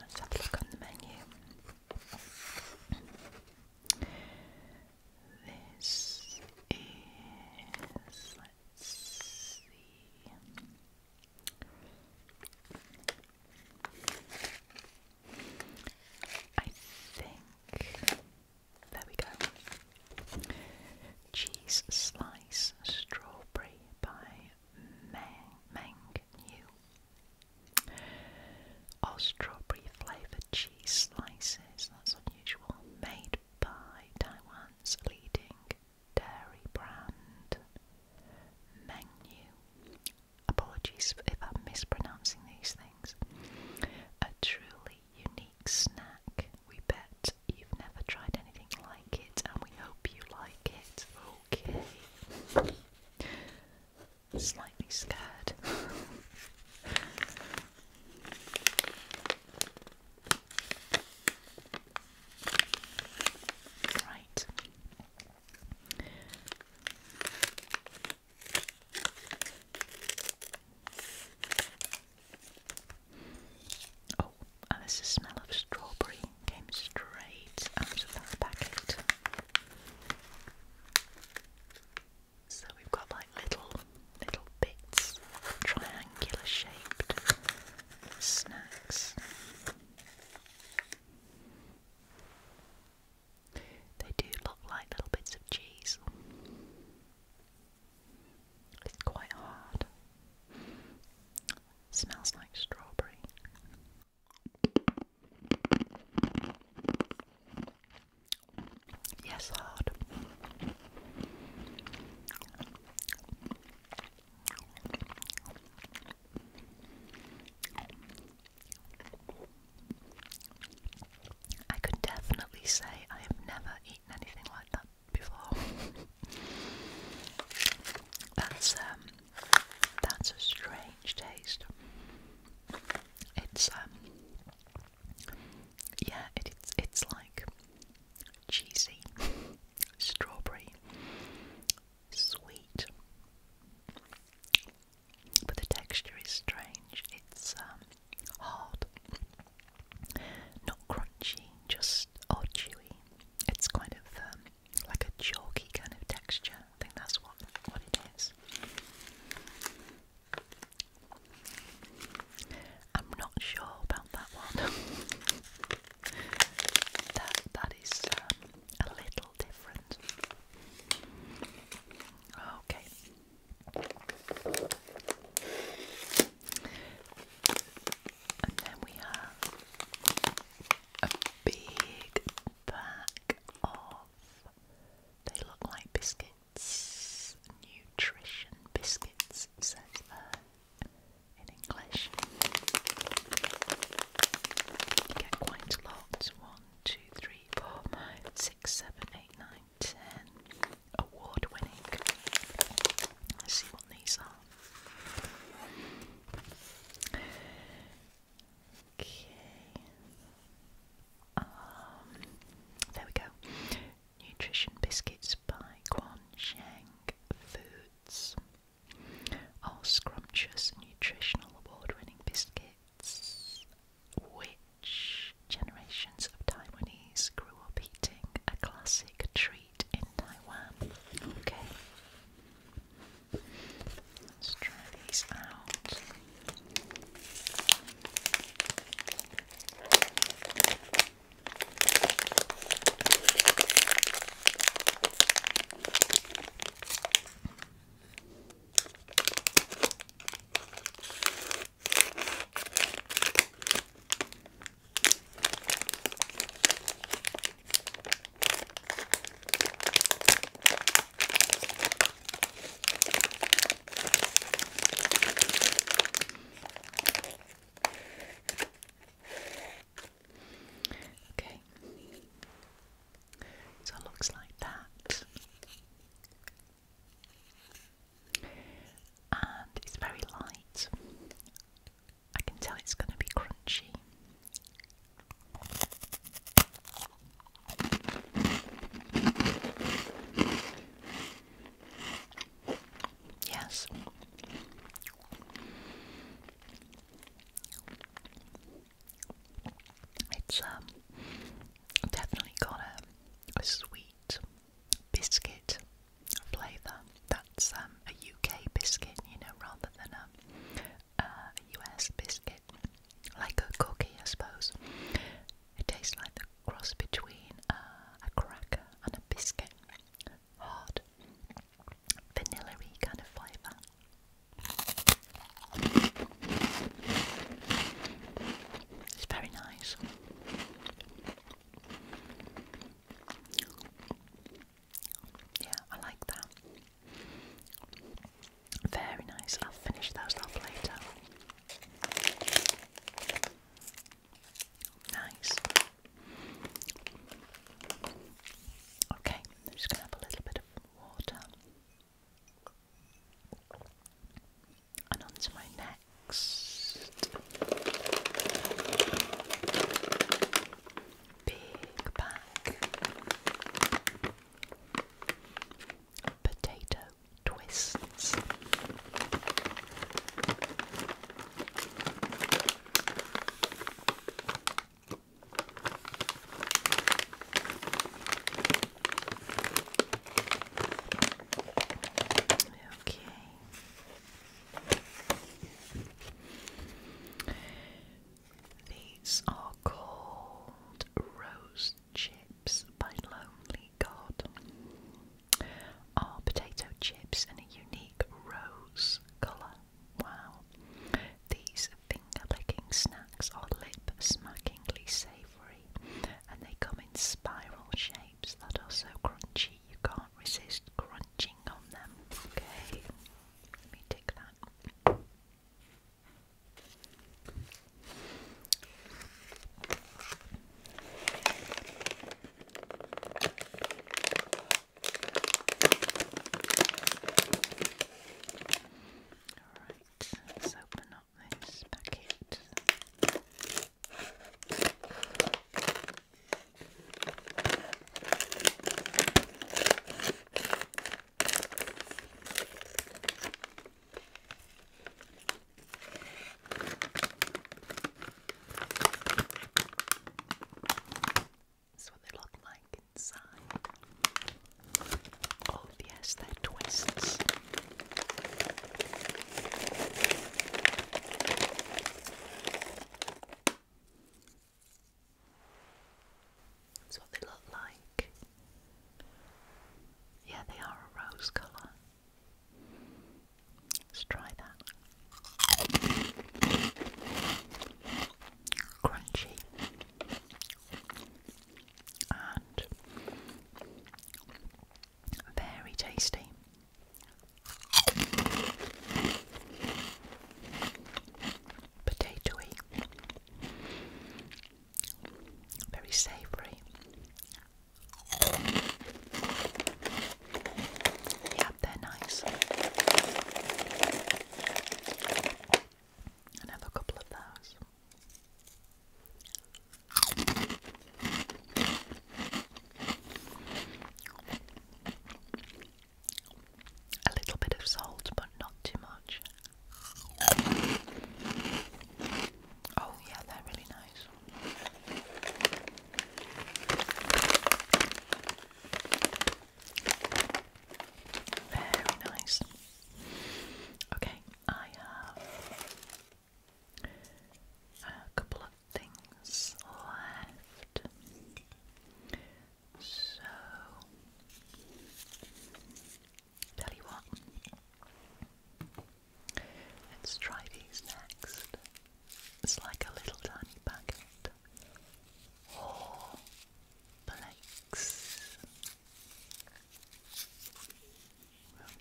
let's have a look on the menu. This is, let's see. I think there we go. Cheese Slice Strawberry by Meng, Meng Yu. Or strawberry flavoured cheese slices, that's unusual, made by Taiwan's leading dairy brand Meng Yu. Apologies if I'm mispronouncing these things. A truly unique snack. We bet you've never tried anything like it, and we hope you like it. Okay. Slightly scared. right. Oh, and there's a smell of strawberry came straight out of that packet. So we've got like little little bits, triangular shaped snacks. They do look like little bits of cheese. It's quite hard. It smells like strawberry. Yes, hard. I could definitely say I have never eaten anything like that before. [LAUGHS] that's um, that's a strange taste. It's um, yeah, it's it's like cheesy, strawberry, sweet, but the texture is strange. It's um hard. Not crunchy, just odd chewy. It's kind of um, like a chalky kind of texture. I think that's what, what it is. I'm not sure about that one. [LAUGHS] that that is um, a little different. Okay. And then we have a big pack of they look like biscuits, nutrition biscuits, says there in English. You get quite a lot. One, two, three, four, five, six, seven, eight, nine, 10 award winning. Let's see what these are. Okay. Um, there we go. Nutrition biscuits by Quan Sheng Foods. All scrumptious nutritional award winning biscuits generations of Taiwanese grew up eating a classic treat in Taiwan. Okay, let's try these out. Okay, so it looks like that and it's very light. I can tell it's going to be crunchy. Yes. It's um definitely got a, a sweet biscuit flavour. That's um, a UK biscuit, you know, rather than a, US biscuit. Like a cookie, I suppose. It tastes like the cross between a cracker and a biscuit. Hard, vanilla y kind of flavour. It's very nice. Yeah, I like that. Very nice. I'll finish those off later. Nice. Okay, I'm just going to have a little bit of water and on to my next big bag potato twists. Okay. These are called rose chips by Lonely God. Are potato chips in a unique rose colour. Wow. These finger licking snacks are lip smackingly savoury and they come in spiral shapes that are so crunchy you can't resist crunching on them. Okay, let me take that. Alright, let's open up this packet. That's what they look like inside. Oh yes, that twists. That's what they look like. Yeah, they are a rose colour. Let's try that. Crunchy and very tasty. Potatoy. Very savoury. Yeah, they're nice. Another couple of those. A little bit of salt, but not too much. Oh, yeah, they're really nice. Very nice. Okay, I have a couple of things left. So, tell you what, let's try these next. It's like a little tiny packet. Or flakes.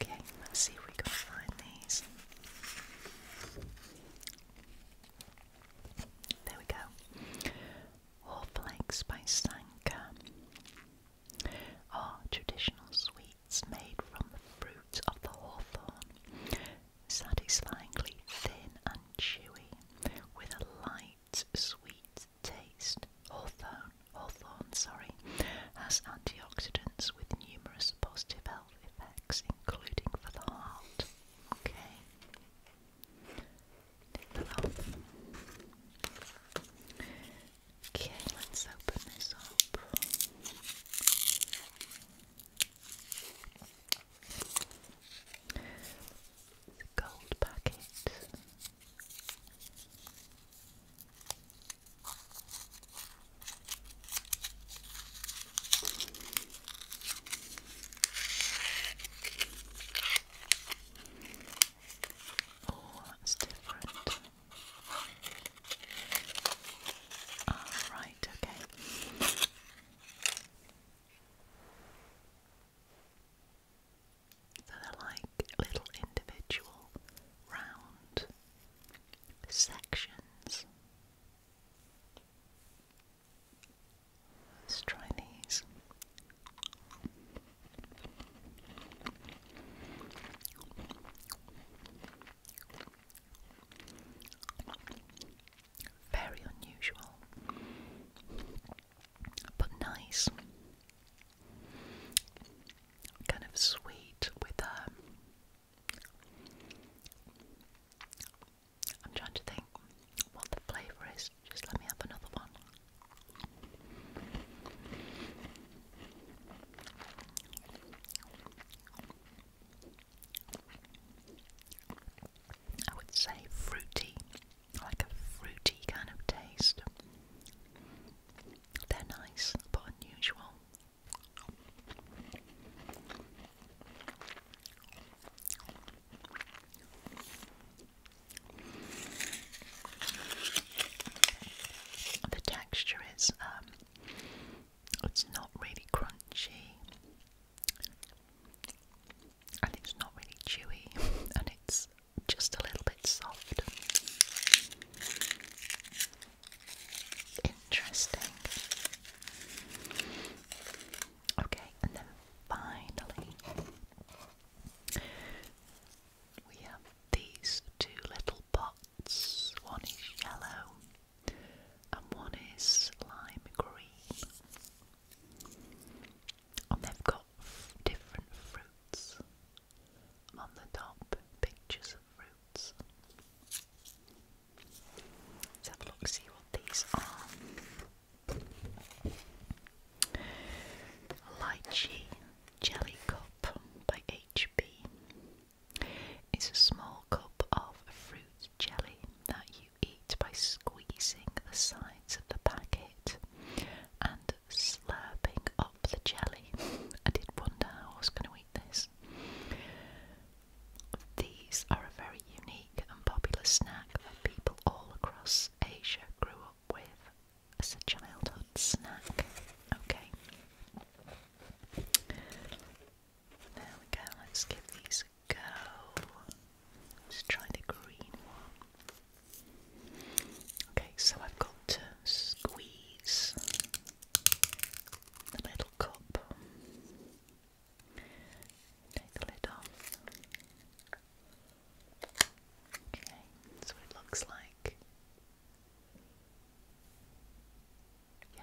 Okay, let's see if we can find these. There we go. Or flakes by Sanka. Are traditional sweets made from the fruit of the hawthorn, satisfyingly thin and chewy, with a light sweet taste. Hawthorn, hawthorn, sorry, has antioxidants with numerous positive health effects, including for the heart. Okay. Okay, let's open this up. gold packet. Oh, that's different. Ah, right, okay. So they're like little individual round sections Let's try these. Very unusual, but nice. Kind of sweet with a um, I'm trying to think what the flavour is. Just let me have another one. I would say fruity, like a fruity kind of taste. They're nice but unusual. The texture is, um, it's not really crunchy and it's not really chewy [LAUGHS] and it's just a little bit soft. Interesting. Okay, and then finally, we have these two little pots. One is yellow and one is lime green. And they've got different fruits on the top, pictures of fruits. Let's have a look, see what these are. Lychee Jelly Cup by HB. It's a small cup of fruit jelly that you eat by squeezing the sides of the packet and slurping up the jelly. I did wonder how I was going to eat this. These are a very unique and popular snack that people all across Asia grew up with as a childhood snack. Okay. There we go, let's give these a go. Let's try the green one. Okay, so I've got to squeeze the little cup Take the lid off. Okay, that's what it looks like. Yeah.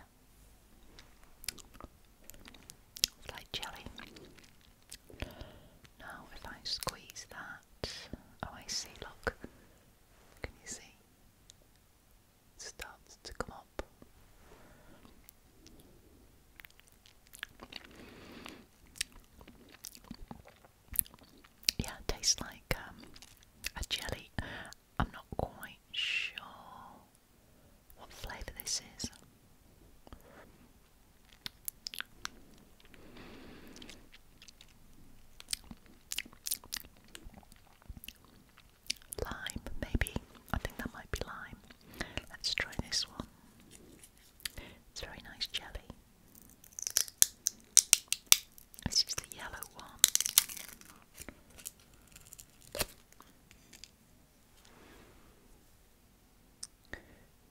It's like jelly. Now, if I squeeze that, oh, I see. Look, can you see? starts to come up. Yeah, tastes like um, a jelly. I'm not quite sure what flavour this is lime, maybe. I think that might be lime. Let's try this one. It's very nice jelly. This is the yellow one.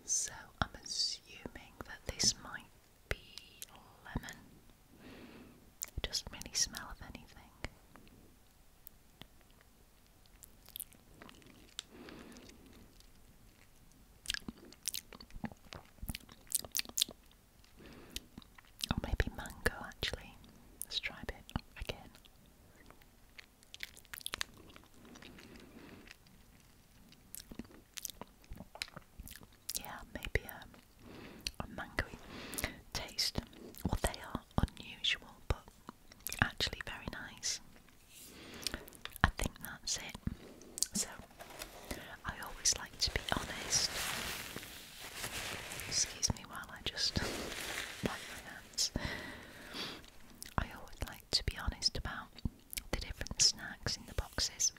So I'm assuming that this might be lemon. It doesn't really smell of anything. Or maybe mango actually. Let's try a again. Yeah, maybe a, um, a mangoy taste. Well, they are unusual, but Actually, very nice. I think that's it. So, I always like to be honest. Excuse me while I just [LAUGHS] wipe my hands. I always like to be honest about the different snacks in the boxes.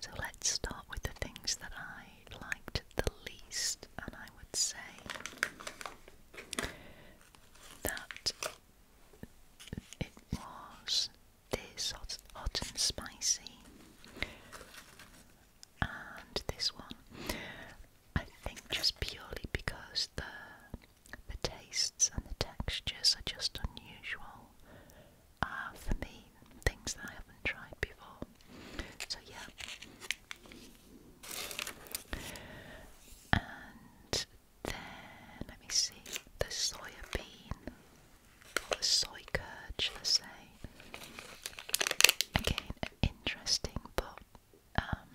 So, let's start with the things that I liked the least and I would say that it was this hot, hot and spicy, and this one. I think just purely because the the tastes and the textures are just unusual uh, for me, things that I haven't tried before. So yeah, and then, let me see, the soya bean, the soy curd, should I Again, interesting, but um,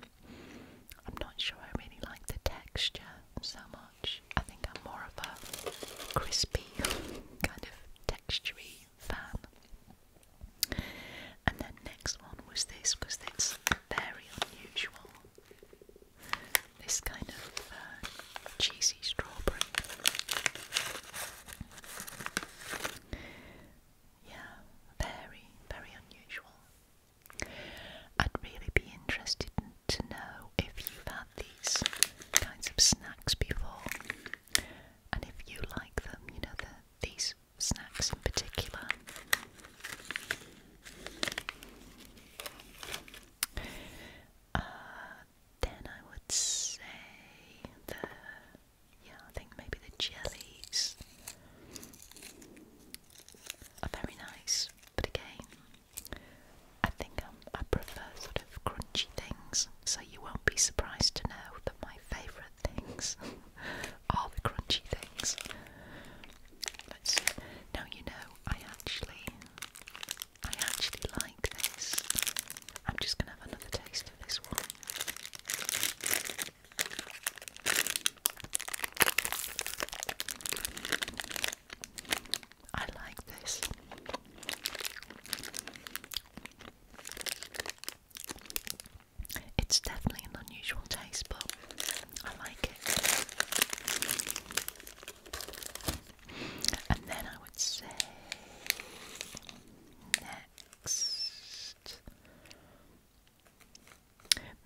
I'm not sure I really like the texture so much. I think I'm more of a crispy [LAUGHS] kind of textury fan. And then next one was this because it's very unusual. This kind of uh, cheesy strawberry. Yeah, very, very unusual. I'd really be interested to know if you've had these kinds of snacks before and if you like them, you know, the, these snacks in particular. Uh, then I would say the yeah, I think maybe the jellies are very nice, but again, I think um, I prefer sort of crunchy things, so you won't be surprised to know that my favourite things. [LAUGHS] All the crunchy things. Now you know I actually I actually like this. I'm just gonna have another taste of this one. I like this. It's definitely an unusual taste, but I like it. And then I would say next,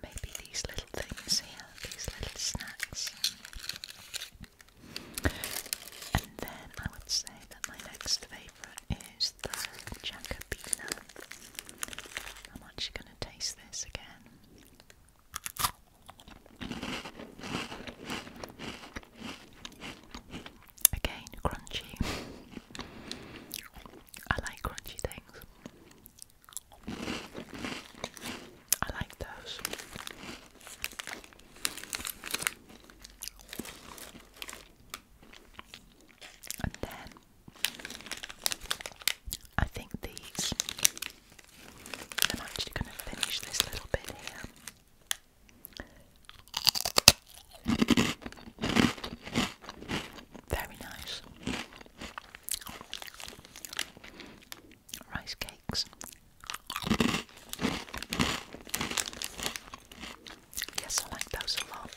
maybe these little things here, these little snacks. And then I would say that my next favourite is the Jacobina. I'm actually going to taste this again. Again, crunchy. I like crunchy things. I like those. And then I think these. I'm actually going to finish this little bit here. Very nice. Rice cakes. Yes, I like those a lot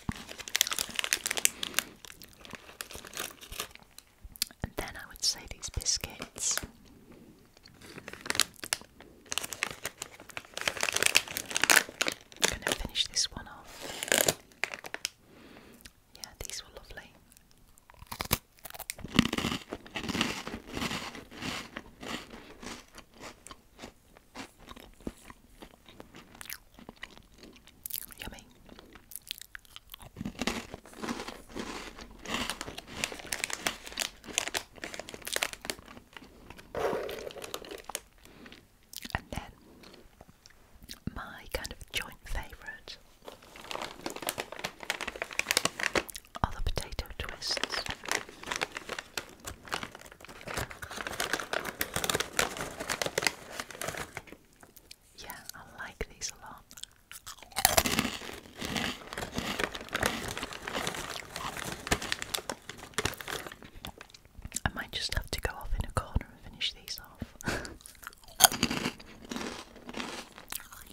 then I would say these biscuits. I'm going to finish this one off. Yeah, these were lovely. Yummy. And then my kind of joint favourite are the potato twists. Yeah, I like these a lot. I might just have to go off in a corner and finish these off.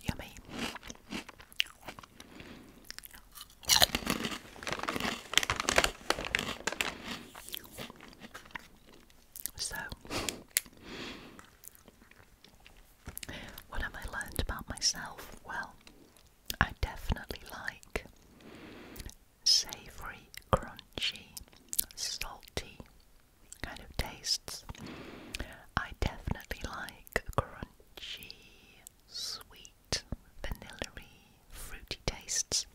[LAUGHS] Yummy. So, what have I learned about myself? Well, I definitely like savoury, crunchy, salty kind of tastes. I definitely like crunchy, sweet, vanilla fruity tastes.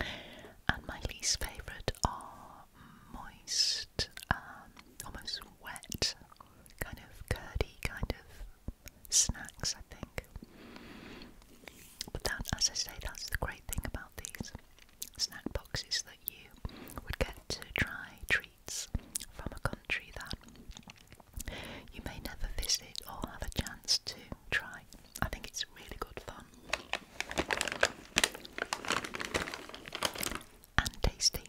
And my least favourite are moist, um, almost wet, kind of curdy kind of snacks, I think. But that, as I say, that's the great thing about these snack boxes that you would get to try treats from a country that you may never visit or have a chance to try. I think it's really good fun and tasty.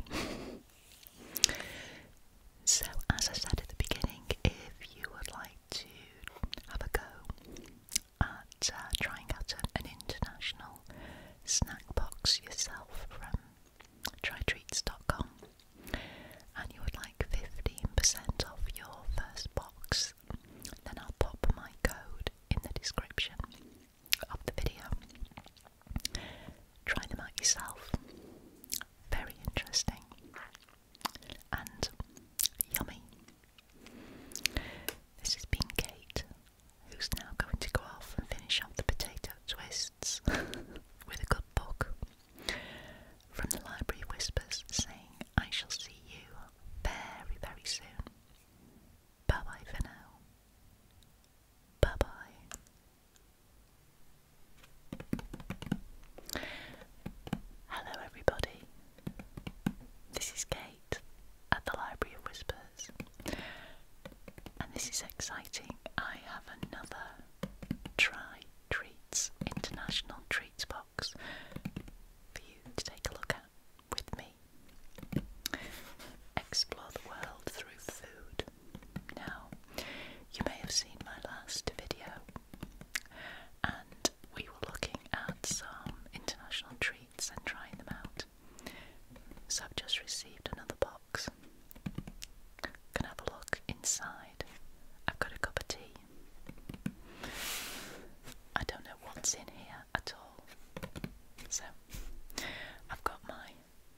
So, as I said at the beginning, if you would like to have a go at uh, trying out an international snack box yourself from trytreats.com and you would like 15% off your first box, then I'll pop my code in the description of the video. Try them out yourself. Very interesting and yummy. This has been Kate, who's now going to go off and finish up the potato twists [LAUGHS] with a good book from the Library Whispers saying, I shall see you very, very soon. Bye bye for now. Bye bye. Hello, everybody. This is Kate at the Library of Whispers, and this is exciting. I have another Try Treats International Treats box for you to take a look at with me. Explore the world through food. Now, you may have seen my last video, and we were looking at some international treats and trying them out. So I've just received another box. Can have a look inside. I've got a cup of tea. I don't know what's in here at all. So, I've got my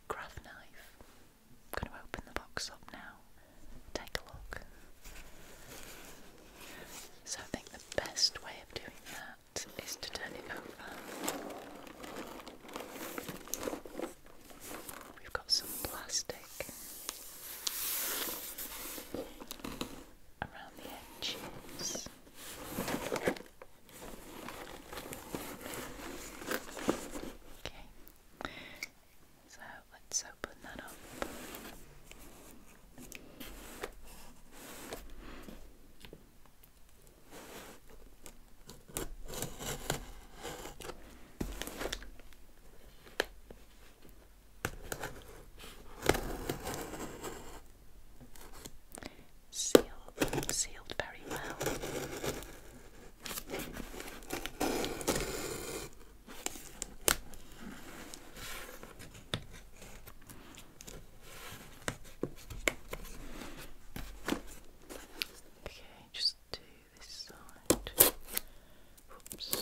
craft knife. I'm going to open the box up now, take a look. So, I think the best way of doing that is to turn it over. We've got some plastic around the edges. Okay, so let's open that up. Sealed, sealed very well. Okay, just do this side. Oops.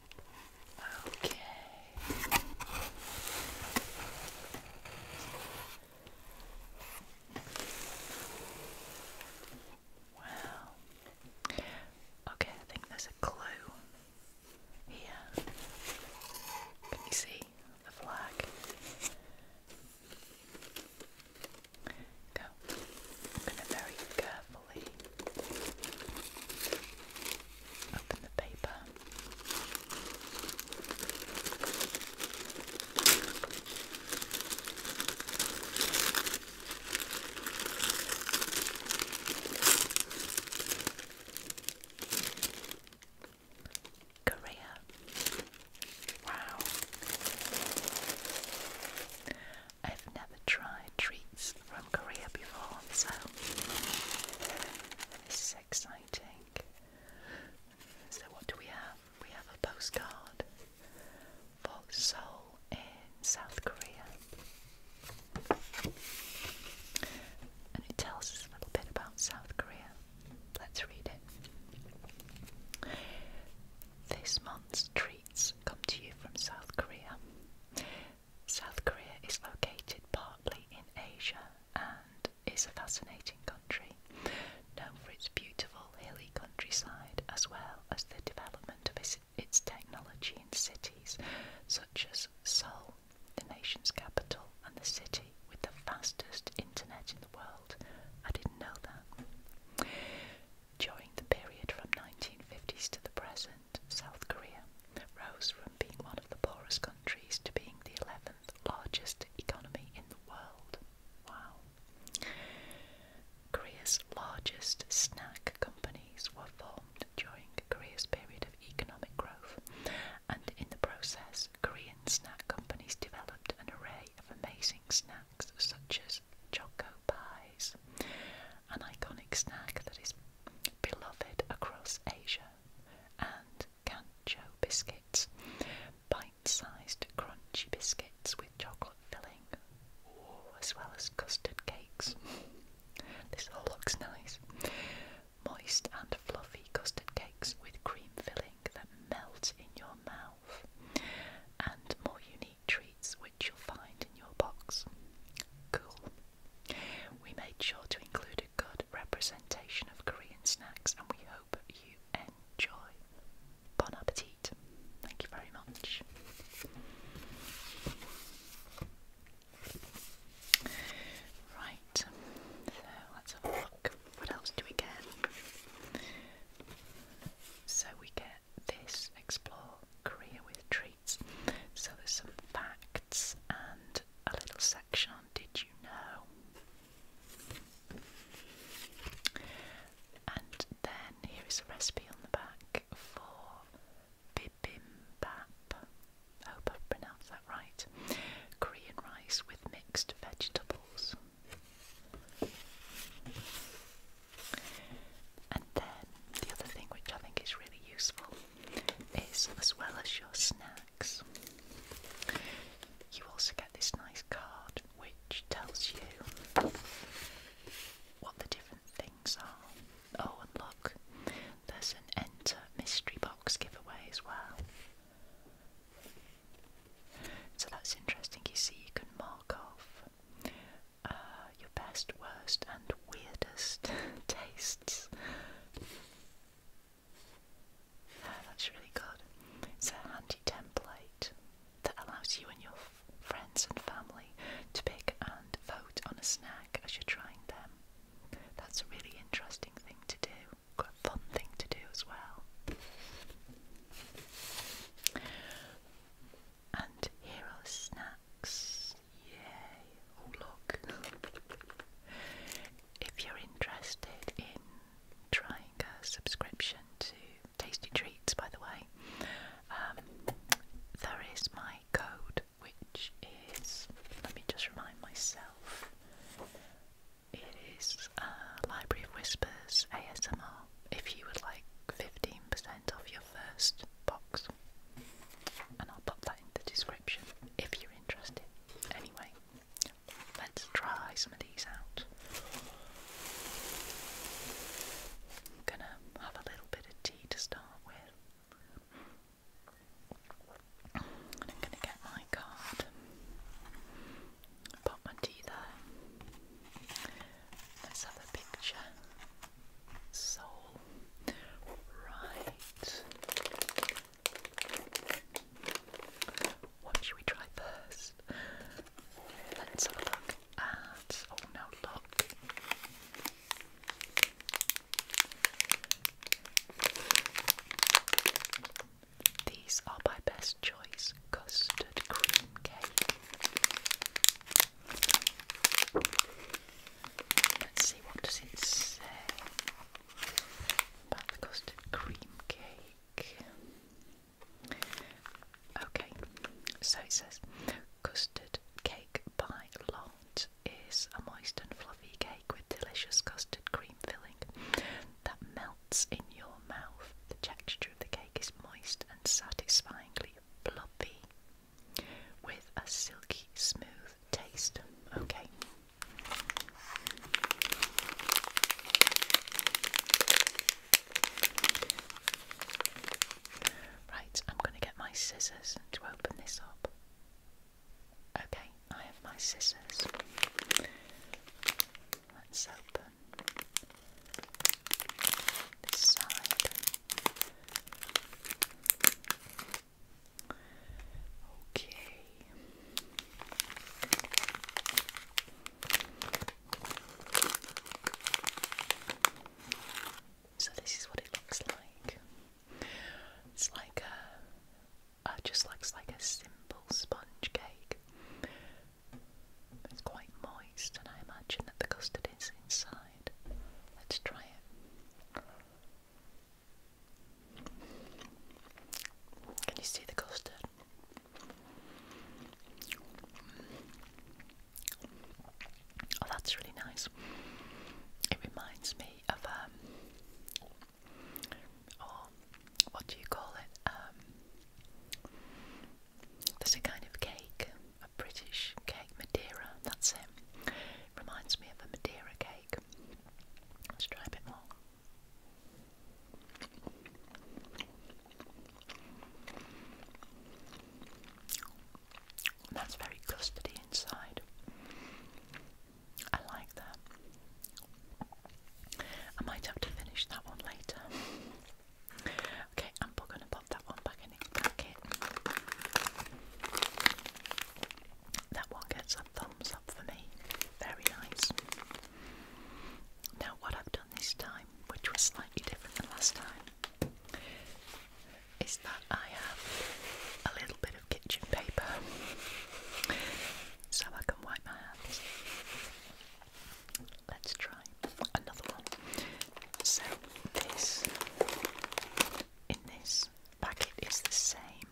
Okay. Wow. Okay, I think there's a clue here. Can you see the flag? Go. I'm going to very carefully Open the paper. Korea. Wow. I've never tried treats from Korea before, so this is exciting. So, what do we have? We have a postcard for Seoul in South Korea. And it tells us a little bit about South Korea. Let's read it. This month's treats come to you from South Korea. South Korea is located partly in Asia and is a fascinating country, known for its beautiful hilly countryside as well as the development of its, technology in cities such as Seoul, the nation's capital and the city with the fastest internet in the world. I didn't know that. During the period from 1950s to the present, South Korea rose from being one of the poorest countries to being the 11th largest economy in the world. Korea's largest snack companies were formed during Korea's period of economic growth, and in the process, Korean snack companies developed an array of amazing snacks such as choco pies, an iconic snack that is beloved across Asia and Cancho biscuits, bite-sized crunchy biscuits with chocolate filling, as well as custard cakes. this all looks nice. Moist and fluffy custard cakes with cream filling that melt in your mouth, and more unique treats which you'll find in your box. Cool. We made sure to include good representation of Korean snacks, and we hope you enjoy. Bon appetit! Thank you very much. Right, so let's have a look. What else do we get? So we get this explore Korea with treats. So there's some facts and a little section Did You Know? And then here is a recipe on the back for bibimbap. I hope I've pronounced that right. Korean rice with mixed vegetables. And then the other thing which I think is really useful is as well as your snacks. You also get this nice card which tells you what the different things are. Oh, and look, there's an Enter Mystery Box giveaway as well. So that's interesting. You see, you can mark off uh, your best, worst, and weirdest [LAUGHS] tastes. Oh, that's really good. It's a handy template that allows you and your friends and family to pick and vote on a snack as you're trying them. That's a really interesting thing to do. Quite a fun thing to do as well. And here are the snacks. Yay! Oh, look if you're interested in trying a subscription to Tasty Treats, by the way, um, there is my code, which is let me just remind myself. It is uh, Library of Whispers ASMR. If you would like fifteen percent off your first box, and I'll pop that in the description if you're interested. Anyway, let's try some of these out. I'm gonna have a little bit of tea to start with. And I'm gonna get my card. Pop my tea there. Let's have a picture. Soul. Right. What should we try first? Let's have a look at. Oh, no, look. These are my best choice custard cream cake. Let's see what does it say. Bath custard cream cake. Okay, so it says custard cake by lot is a moist and fluffy cake with delicious custard cream filling that melts in your mouth. The texture of the cake is moist and satisfyingly fluffy with a silky smooth taste. Okay. Right, I'm going to get my scissors to open this up. Okay, I have my scissors. Let's open this side. Okay. So this is what it looks like. It's like a, uh, just looks like a simple sponge cake. It's quite moist, and I imagine that the custard is inside. Let's try it. Can you see the custard? Oh, that's really nice. It reminds me of um, oh, what do you call it? Um, there's a kind of cake, a British cake, Madeira. That's it. Reminds me of a Madeira cake. Let's try a bit more. That's very custardy inside. I like that. I might have to finish that one later. Okay, I'm going to pop that one back in the that one gets a thumbs up for me. Very nice. Now, what I've done this time, which was slightly different than last time, is that I have a little bit of kitchen paper so I can wipe my hands. Let's try another one. So, this in this packet is the same.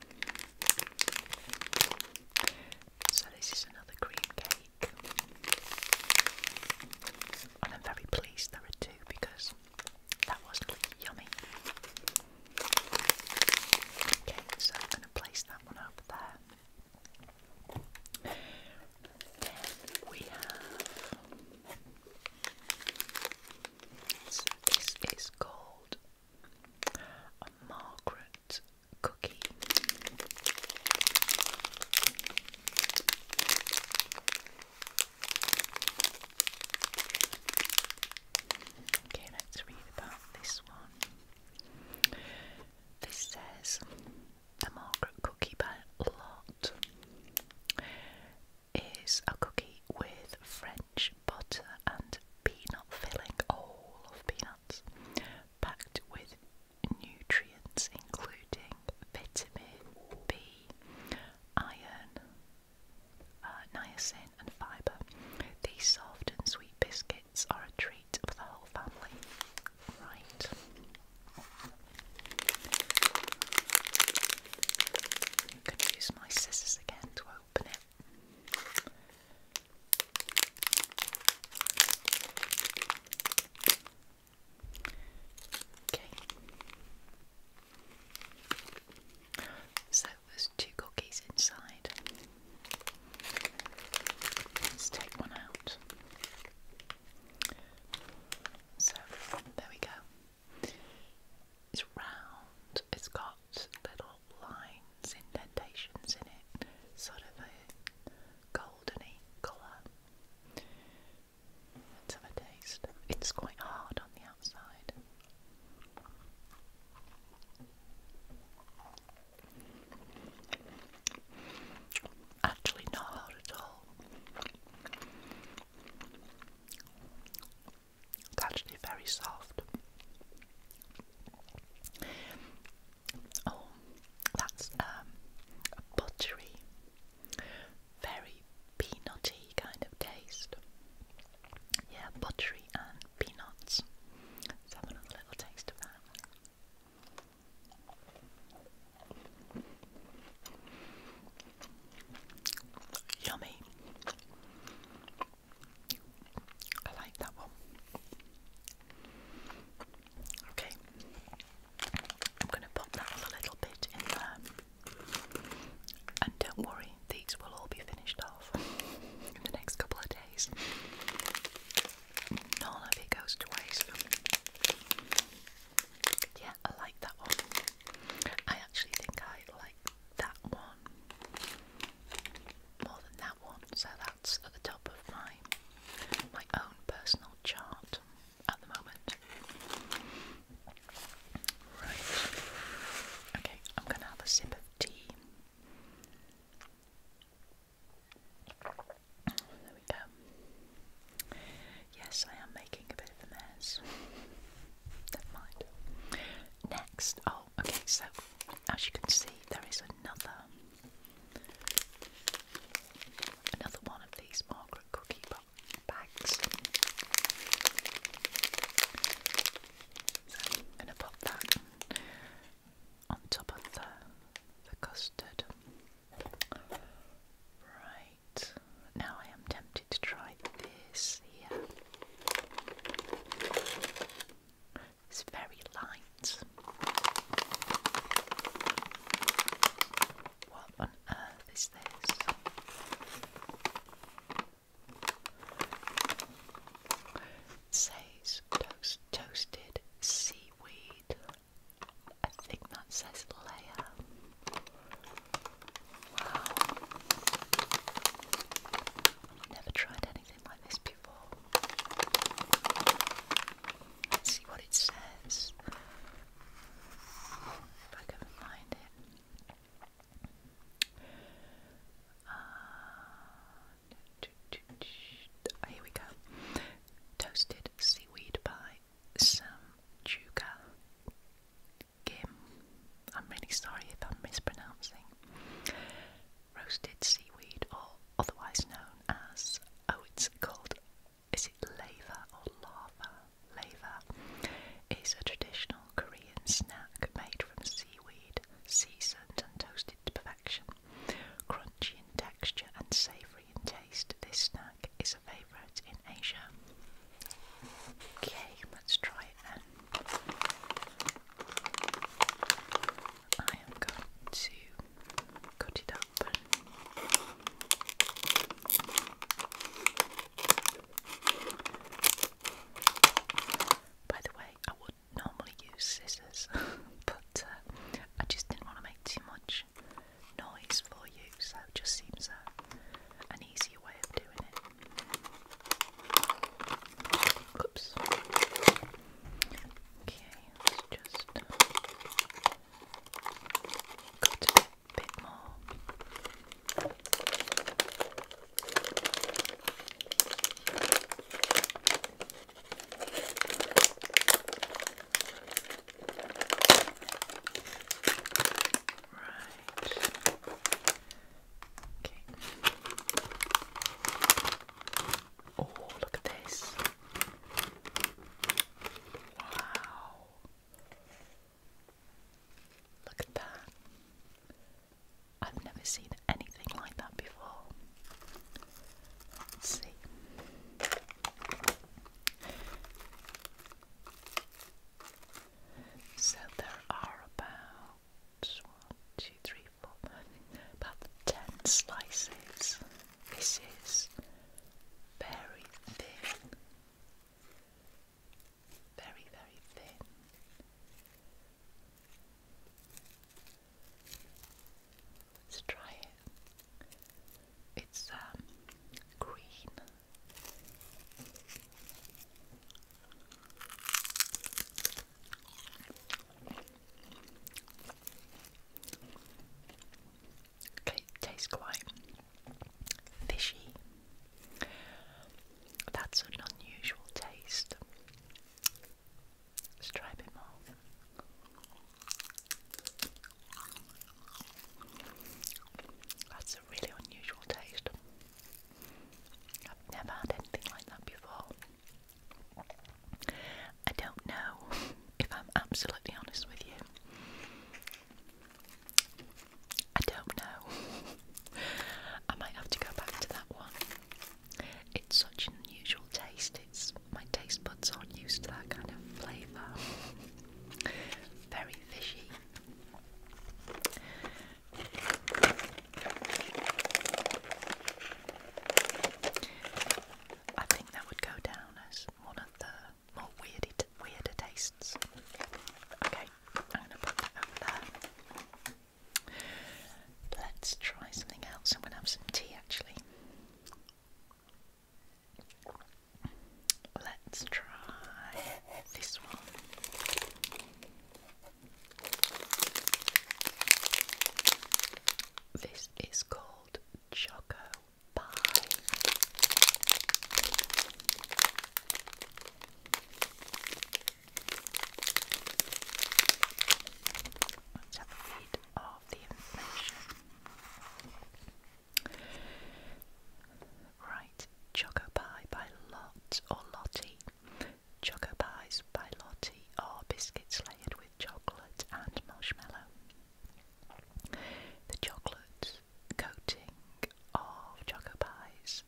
So, this is another cream cake, and I'm very pleased there are two because that was yummy. Okay, so I'm going to place that one over there. Then we have. this is called a Margaret cookie. Okay, let's read about this one. This says the Margaret cookie by Lot is a cookie with French French butter and peanut filling, all of peanuts, packed with nutrients including vitamin B, iron, uh, niacin, and fibre. These soft and sweet biscuits are a treat for the whole family. Right. I'm use my scissors again to open it. So there's two cookies inside. Let's take one out. So there we go. It's round, it's got little lines, indentations in it, sort of a goldeny colour. Let's have a taste. It's quite hard on the outside. Actually, not hard at all. It's actually very soft. Oh, that's um, a buttery, very peanutty kind of taste. Yeah, buttery and peanuts. have another little taste of that. Yummy. I like that one. Okay, I'm going to pop that a little bit in there. And don't worry, these will all be finished off [LAUGHS] in the next couple of days. None of it goes to waste. Yeah, I like that one. I actually think I like that one more than that one, so that at the top of my my own personal chart at the moment. Right. Okay, I'm gonna have a sip of tea. There we go. Yes, I am making a bit of a mess. Never mind. Next, oh, okay, so as you can see, there is another another one of these Margaret cookie bags. So I'm gonna pop that on top of the custard. Right. Now I am tempted to try this here. It's very light. What on earth is this? says toasted seaweed. I think that says layer. Wow. never tried anything Let's see what it says. If I can find it. Ah, here we go. Toasted seaweed pie. Some Juga Gim. I'm really sorry if I'm mispronouncing roasted seaweed, or otherwise known as, oh, it's called, is it lava or lava? Lava is a traditional Korean snack made from seaweed, seasoned and toasted to perfection. Crunchy in texture and savoury in taste, this snack is a favourite in Asia. Okay, let's try it I am going to cut it up. By the way, I would normally use scissors, [LAUGHS] but uh, I just didn't want to make too much noise for you, so it just seems a, uh, an easier way of doing it. Oops. Okay, let's just uh, a bit more. Right. Okay. Oh, look at this. Wow. Look at that. I've never seen anything like that before. see. So there are about one, two, three, about ten slices. This is very thin. Very, very thin. Let's try it. It's um, green tastes quite fishy. That's an unusual taste. Let's try a bit more. That's a really unusual taste. I've never had anything like that before. I don't know [LAUGHS] if I'm absolutely honest with you. I don't know. [LAUGHS] I might have to go back to that one. It's such an unusual taste. It's my taste buds aren't used to that kind of flavour. [LAUGHS] Very fishy. I think that would go down as one of the more weirdy, weirder tastes. Okay, I'm going to put that over there. Let's try something else. I'm going to have some tea actually. Let's try this one. This is called Choco Pie. Let's have a read of the information. Right, Choco Pie by Lot or Lottie. Choco pies by Lottie are biscuits layered with chocolate and marshmallow. The chocolate coating of choco pies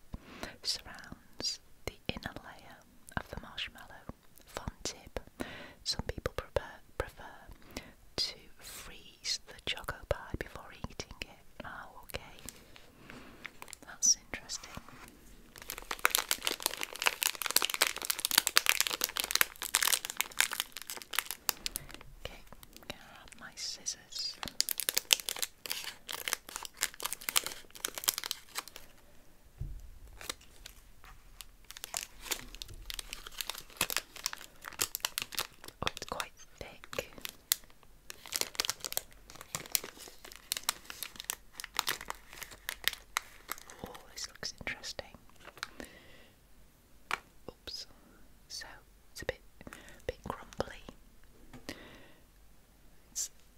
surrounds the inner layer of the marshmallow. Fun tip some people prefer, prefer to freeze the choco pie before eating it. Oh, okay. That's interesting. Okay, I'm my scissors. Oh, it's quite thick. Oh, this looks interesting. Oops. So it's a bit, bit crumbly. It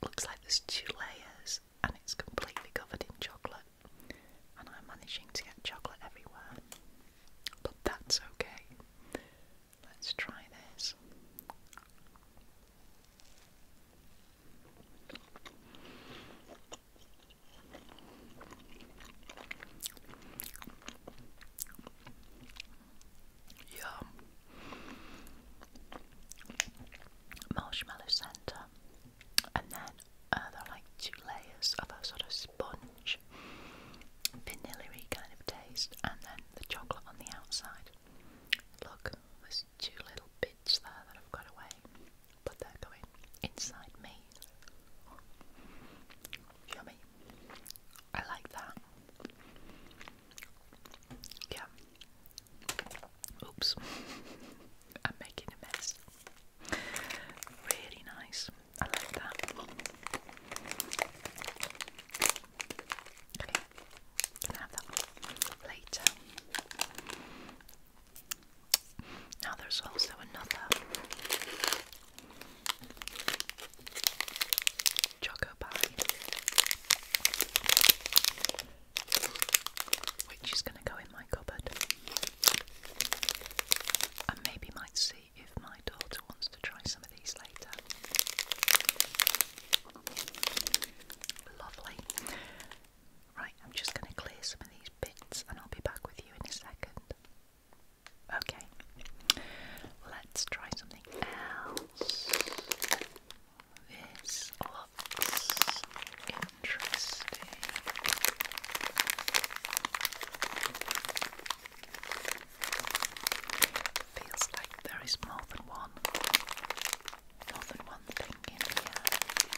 looks like there's two layers, and it's completely covered in chocolate. And I'm managing to get chocolate everywhere, but that's okay. Let's try this. Yum. Marshmallow centre, and then uh, there are like two layers of a sort of sponge, vanilla kind of taste, and then the chocolate on the outside. Look, there's two little bits there that i have got away. Put that going inside me. Yummy. I like that. Yeah. Oops. [LAUGHS] I'm making a mess. Really nice. I like that. Can have that later? Now there's also another choco pie, which is going to go in my cupboard, and maybe might see if my daughter wants to try some of these later. Lovely. Right, I'm just going to clear some of these bits and I'll be back with you in a second. Okay, let's try something else. This looks interesting. Feels like there is more than one, more than one thing in here.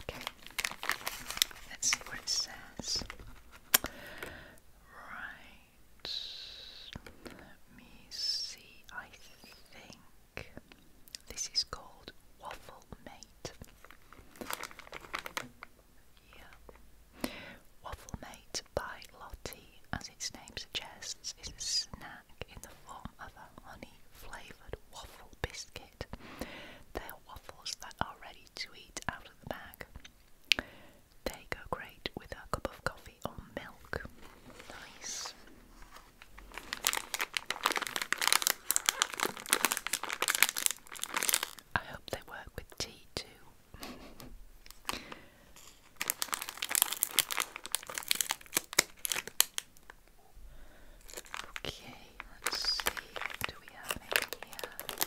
Okay, let's see what it says. Right, let me see. I think this is called Waffle Mate. Waffle Mate by Lottie, as its name suggests, is a snack in the form of a honey flavoured waffle biscuit. They are waffles that are ready to eat out of the bag. They go great with a cup of coffee or milk. Nice. I hope they work with tea me too. Okay, let's see. Do we have anything here?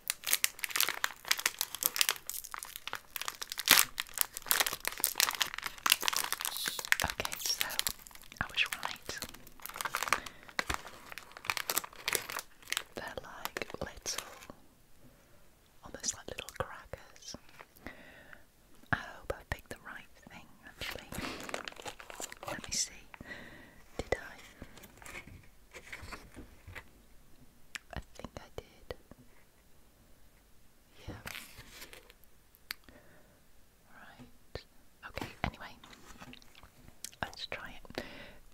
Okay, so I was right. They're like little, almost like little crackers. I hope I picked the right thing actually. Let me see. Did I? I think I did. Yeah. Right. Okay, anyway. Let's try it.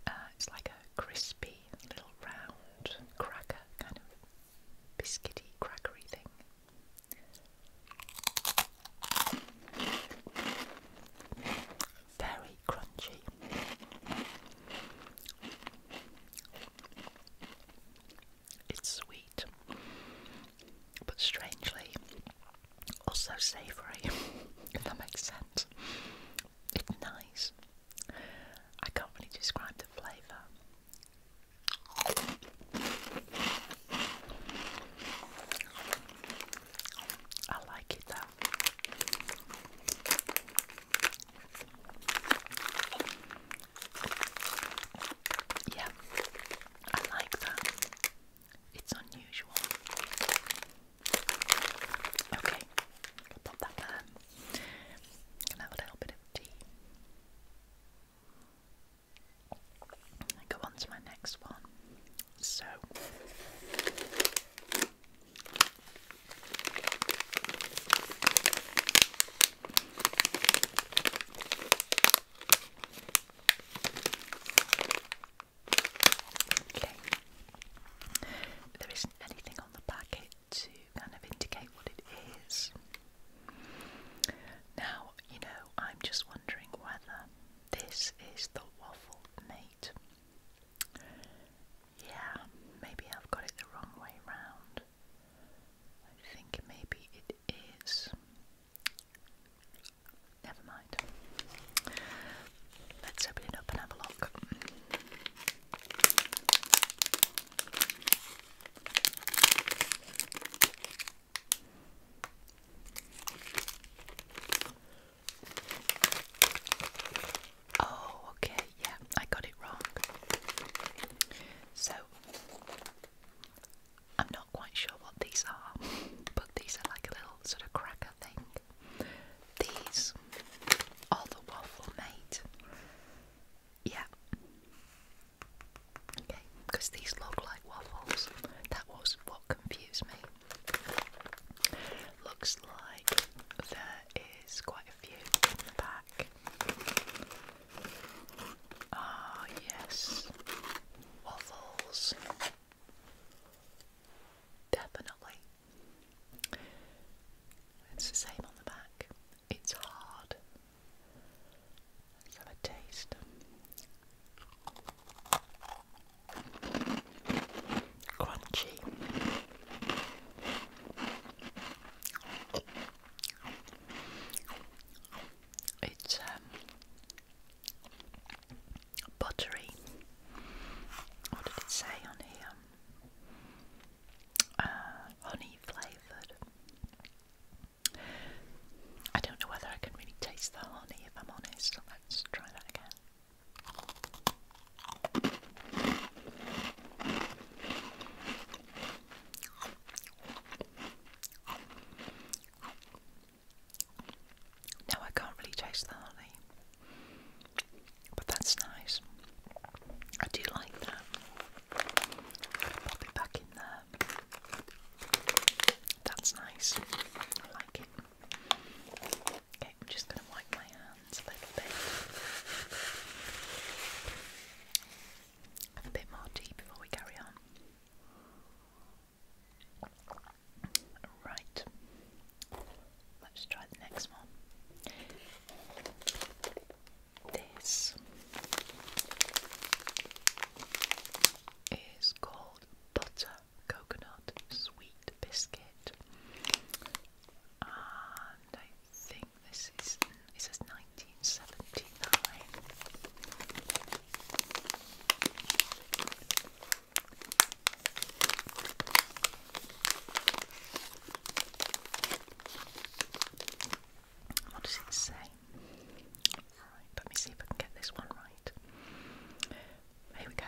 Uh, it's like a crispy little round cracker, kind of biscuity, crackery thing. Very crunchy. It's sweet, but strangely also savoury, [LAUGHS] if that makes sense. It's nice. I can't really describe the flavour. I like it though. Yeah, I like that. It's unusual. Okay, I'll pop that there and have a little bit of tea. I go on to my next one. So, Okay. There isn't anything on the packet to kind of indicate what it is. Now, you know, I'm just wondering whether this is the waffle mate. Yeah, maybe I've got it the wrong way round. I think maybe it is. Never mind. Let's open it up and have a look. Oh, okay, yeah, I got it wrong. So, I'm not quite sure what these are, but these are like a little sort of cracker thing. These are the waffle mate. Yeah. Okay, because these look like waffles. That was what confused me. Looks like there is quite a few in the back. Ah, yes. Waffles. Definitely. It's the same on the back. It's hard. have a taste. Crunchy. It's um, buttery. What did it say on here? Uh, honey flavoured. I don't know whether I can really taste the honey if I'm honest. Let's try that again. Now I can't really taste the honey, but that's nice. I do like that. Pop it back in there. That's nice. I like it. Okay, I'm just going to wipe my hands hands a little bit. more tea before we carry on. Right, let's try the next one. This is called butter coconut sweet biscuit, and think this is it says 1979. What does it say? Right, let me see if I can get this one right. Here we go.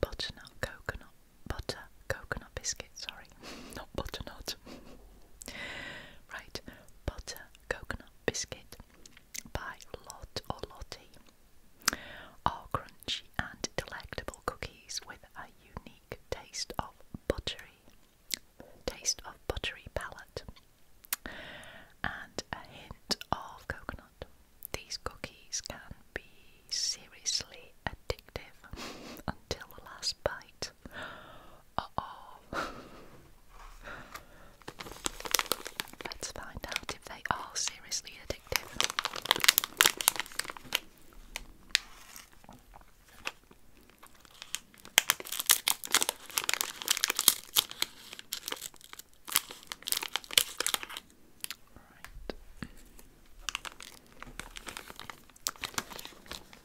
Butternut coconut butter coconut biscuit, sorry, [LAUGHS] not butternut. [LAUGHS] right, butter coconut biscuit by Lot or Lottie are crunchy and delectable cookies with a unique taste of buttery taste of buttery palate and a hint of coconut. These cookies can be seriously addictive [LAUGHS] until the last bite. Uh oh. Let's find out if they are seriously addictive. Right.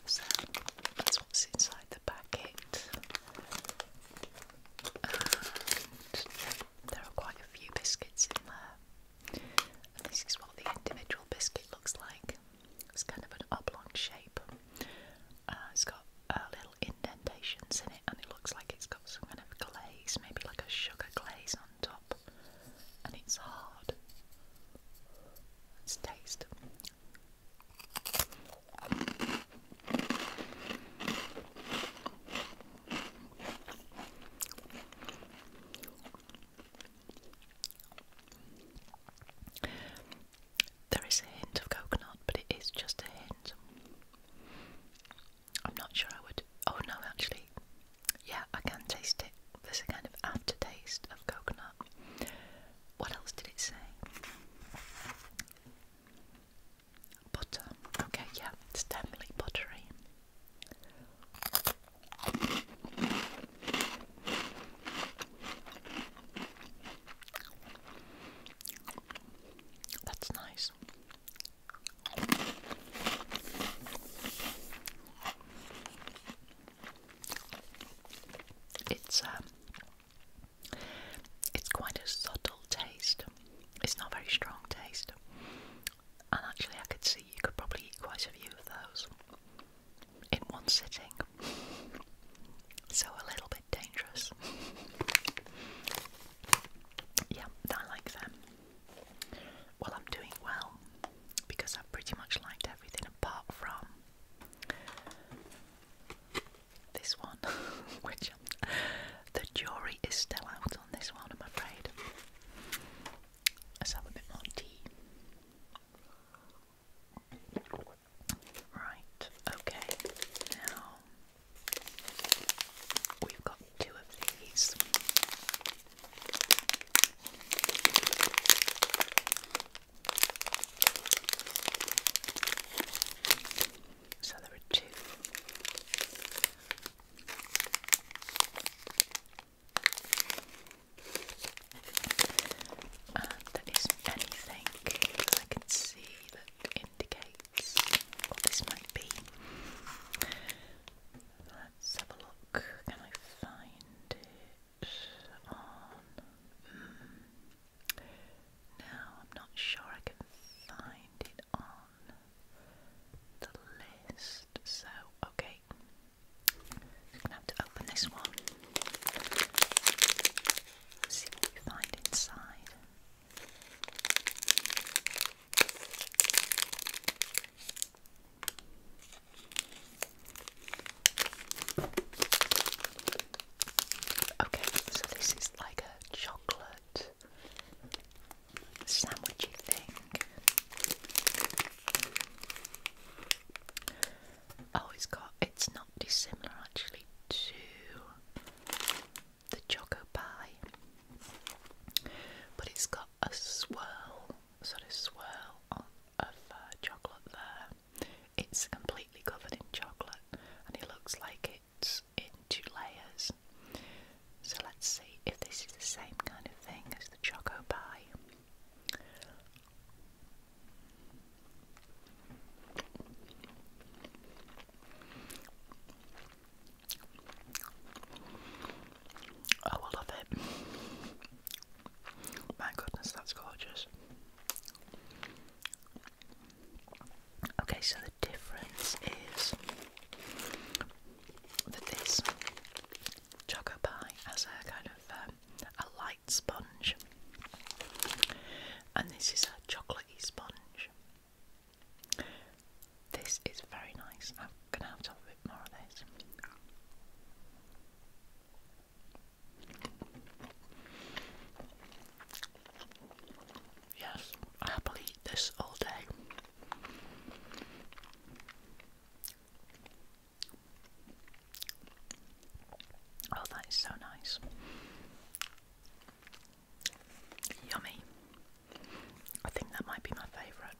So that's what's inside the packet. And there are quite a few biscuits in there. And this is what the individual biscuit looks like. It's kind of an oblong shape. Uh, it's got little indentations in it, and it looks like it's got some kind of glaze, maybe like a sugar glaze on top. And it's hard. Let's taste. There is a hint of coconut, but it is just a hint. I'm not sure I would. Oh no, actually, yeah, I can taste it there's a kind of aftertaste of coconut. What else did it say? Butter. Okay, yeah, it's definitely buttery. That's nice. It's um, it's quite a subtle taste. It's not very strong taste, and actually, I could see you could probably eat quite a few of those in one sitting. So a little bit dangerous. yeah, I like them. Well, I'm doing well because I've pretty much liked everything apart from this one, [LAUGHS] which um, the jury is still out on this one, I'm afraid. Let's have a bit more tea. Right, okay, now we've got two of these. So there are two. And there anything I can see that indicates what this might be. Let's have a look. Can I find it? on. Mm, now, I'm not sure I can find it on the list, so okay. I'm gonna have to open this one. See what we find inside. Okay, so this is like a chocolate sandwichy thing. Oh, it's got, it's not dissimilar actually to the choco pie, but it's got a swirl, sort of swirl of uh, chocolate there. It's completely covered in chocolate and it looks like it's in two layers. So let's see if this is the same kind of thing as the Choco Pie. Oh, I love it. My goodness, that's gorgeous. Okay, so the difference is that this choco pie has a kind of um, a light sponge, and this is a chocolatey sponge. This is very nice. I'm going to have a bit more of this. Yes, I happily eat this all day. Oh, that is so nice. Yummy. I think that might be my favourite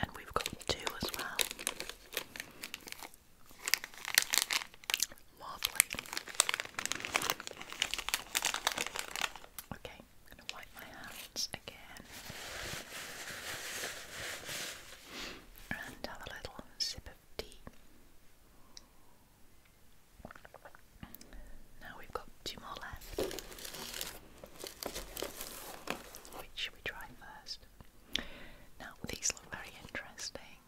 and we've got two as well. Wobbly. Okay, I'm going to wipe my hands again and have a little sip of tea. Now we've got two more left. Which should we try first? Now, these look very interesting.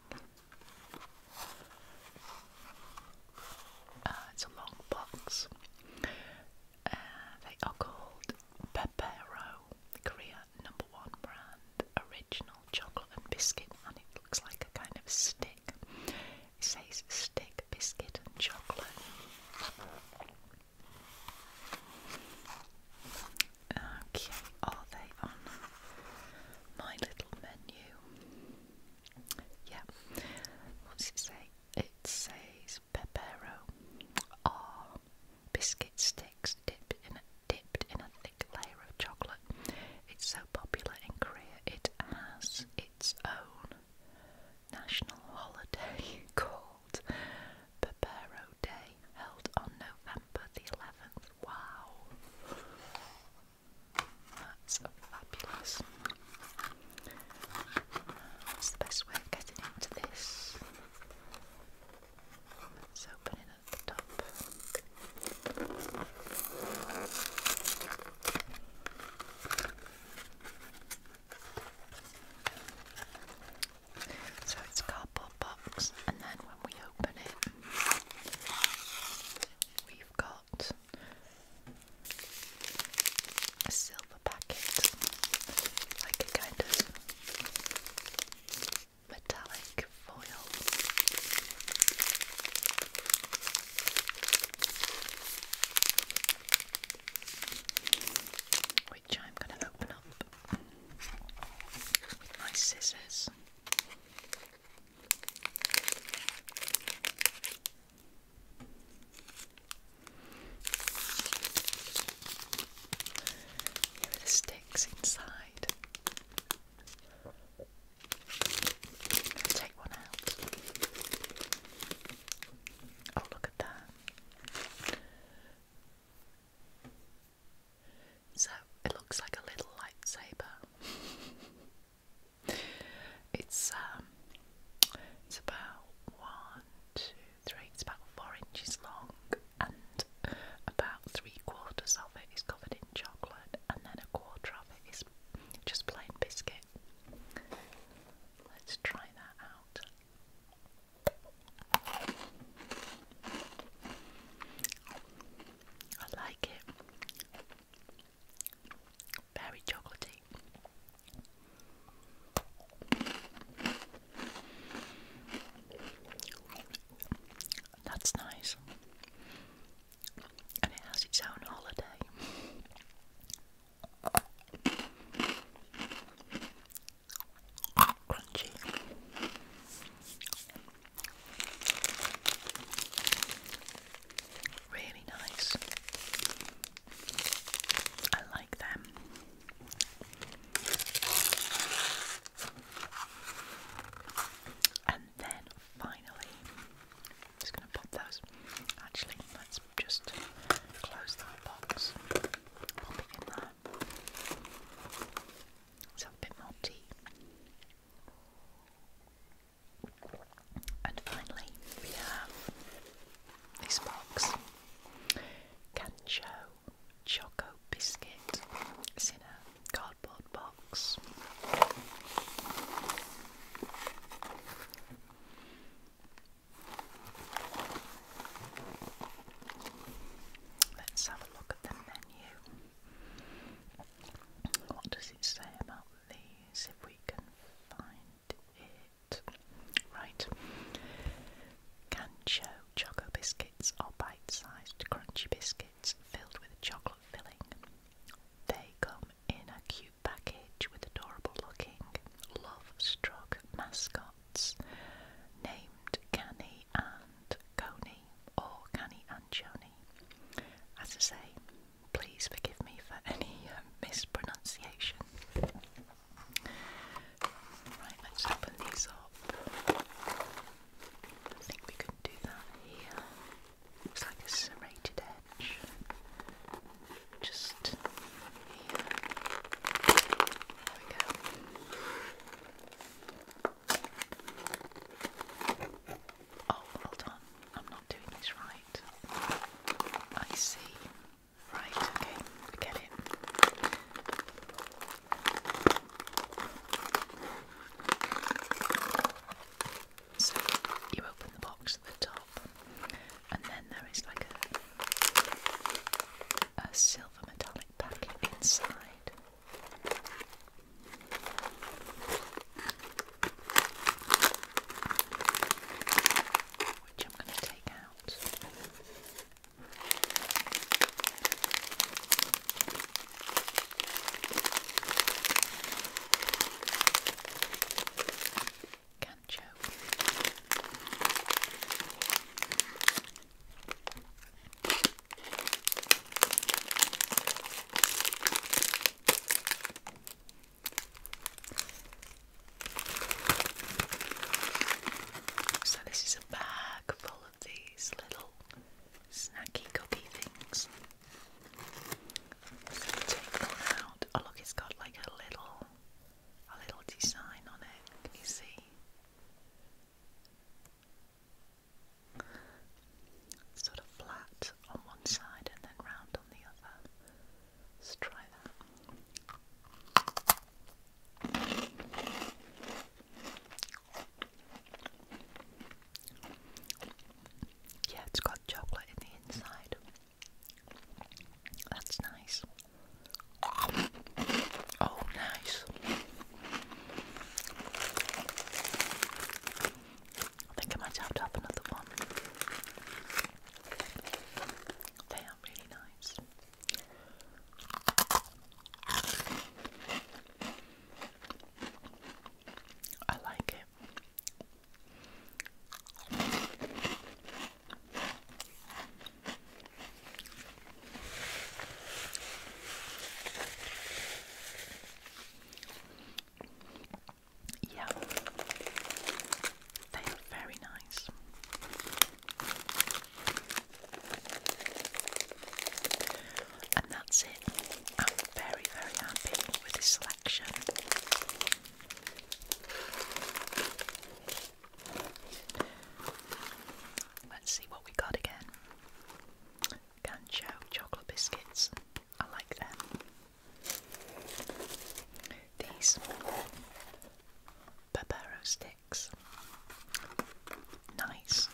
Uh, it's a long box. Uh, they are called Pepero, Korea number one brand, original chocolate and biscuit, and it looks like a kind of stick. It says stick, biscuit, and chocolate. Okay, are they on my little menu? Yeah. What's it say? It says pepero are ah, biscuit sticks dipped in a, dipped in a thick layer of chocolate. It's so popular in Korea it has its own national holiday [LAUGHS] called called Day, held on November the 11th. Wow! That's fabulous. What's the best way of getting into this? Let's open it at the top. So it's a cardboard box, and then when we open it, we've got a silver packet, like a kind of metallic foil which I'm going to open up with my scissors. Here are the sticks inside. take one out. Oh, look at that. So it looks like a little lightsaber. [LAUGHS] it's um it's about one, two, three, it's about four inches long and about three quarters of it is covered in chocolate and then a quarter of it is just plain biscuit. Let's try that out. I like it. Very chocolatey. That's nice. And it has its own holiday. Crunchy. Really nice. I like them. And then finally, I'm just going to pop those. Actually, let's just close that box. Pop it in there. let a bit more tea. And finally, we have this box Cancho Choco Biscuit. in a cardboard box. Let's have a look at the menu. What does it say about these if we can find it? Right. Cancho Choco Biscuits are bite sized crunchy biscuits filled with a chocolate filling. They come in a cute package with adorable looking, love struck mascot named Canny and Coney or Canny and Joni. As I say, please forgive me for any uh, mispronunciation. Right, let's open these up. I think we can do that here. It's like a serrated edge. Just Oh, hold on. I'm not doing this right. I see. Right, okay, get it. So you open the box at the top, and then there is like a a silver silver metallic packet inside. Which I'm going to take out. Cancha. So, this is a bag full of these little snacky cookie things. So take one out. Oh look, it's got like a little, a little design on it. Can you see? Sort of flat on one side and then round on the other. Let's try that. Yeah, it's got chocolate in the inside. That's nice. Oh, nice. I think I might have to have another one. They are really nice. I like it. Yeah, they are very nice. And that's it. I'm very, very happy with this selection. Let's see what we got again. Gancho chocolate biscuits. I like them. These Barbaro sticks. Nice.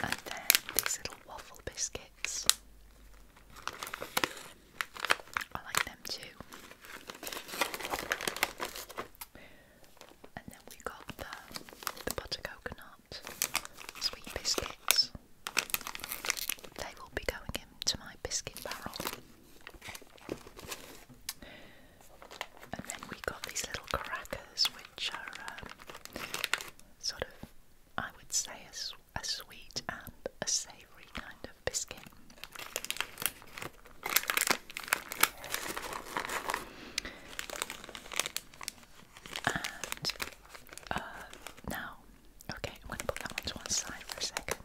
And then these little waffle biscuits. I like them too. And then we got the, butter coconut sweet biscuits. They will be going into my biscuit barrel. And then we got these little crackers, which are um, sort of, I would say, a, sweet and a savoury kind biscuit. Uh, okay, I'm going to put that one to one side for a second.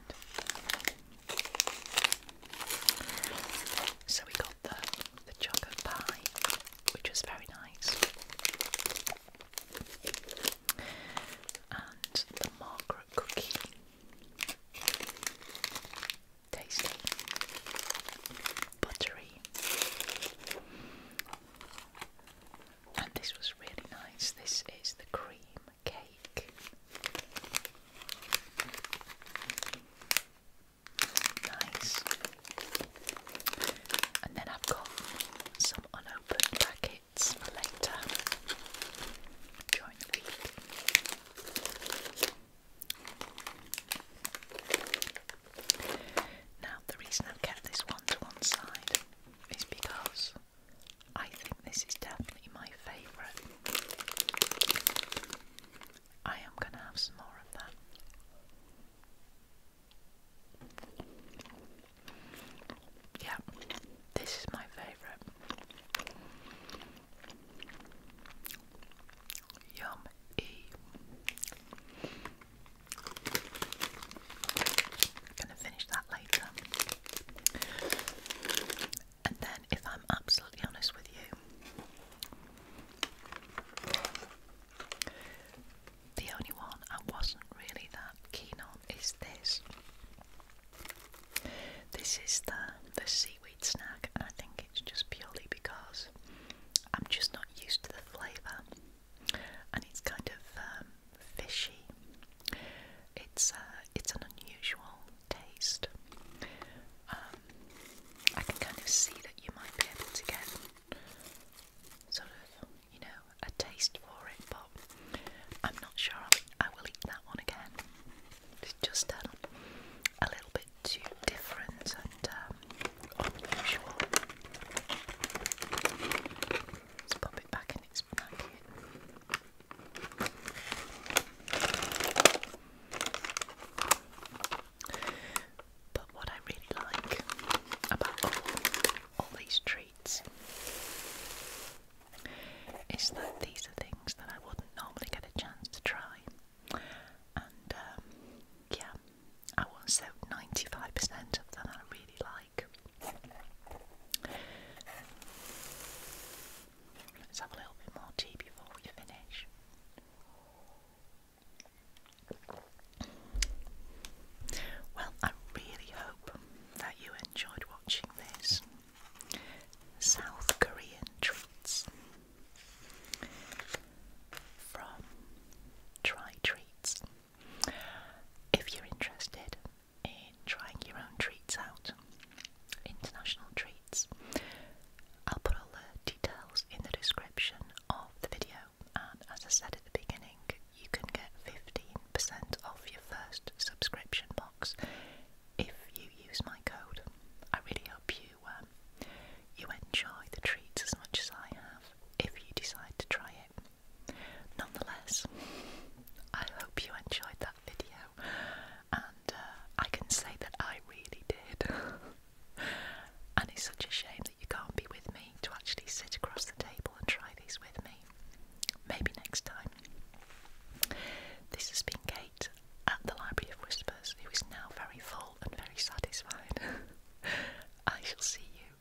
So we got the the chocolate pie, which was very nice, and the Margaret cookie, Tasty, buttery, and this was really nice. This is the cream cake. Nice, and then I've got some unopened back bits for later Now, the reason i kept this one to one side is because I think this is definitely my favourite. I am going to have some more of that. Yeah, this is my favourite. Yummy. Eh. Gonna finish that later. And then, if I'm absolutely honest with you, the only one I wasn't really that keen on is this. This is the, the seaweed snack, and I think it's just purely because I'm just not used to the flavour, and it's kind of um, fishy. It's uh, it's an unusual taste. Um, I can kind of see that you might be able to get sort of you know a taste for it, but I'm not sure I will eat that one again. It's just a little bit too different and um, unusual. Let's pop it back in its packet. But what I really like about all these treats is that these are things that I wouldn't normally get a chance to try. And um, yeah, I want so 95% of them I really like. Let's have a little bit more tea before we finish. Well, I really hope that you enjoyed watching this. South Korean treats from Try Treats. If you're interested in trying your own treats out, international treats, I'll put all the details in the description of the video. And as I said at the beginning, you can get 15% off your first subscription box if you use my code. I really hope you um, you enjoy the treats as much as I have if you decide to try it. Nonetheless, I hope you enjoyed that video, and uh, I can say that I really did. [LAUGHS] and it's such a shame that you can't be with me to actually sit across the table and try these with me. Maybe next time. This has been Kate at the Library of Whispers, who is now very full and very satisfied. [LAUGHS] I shall see you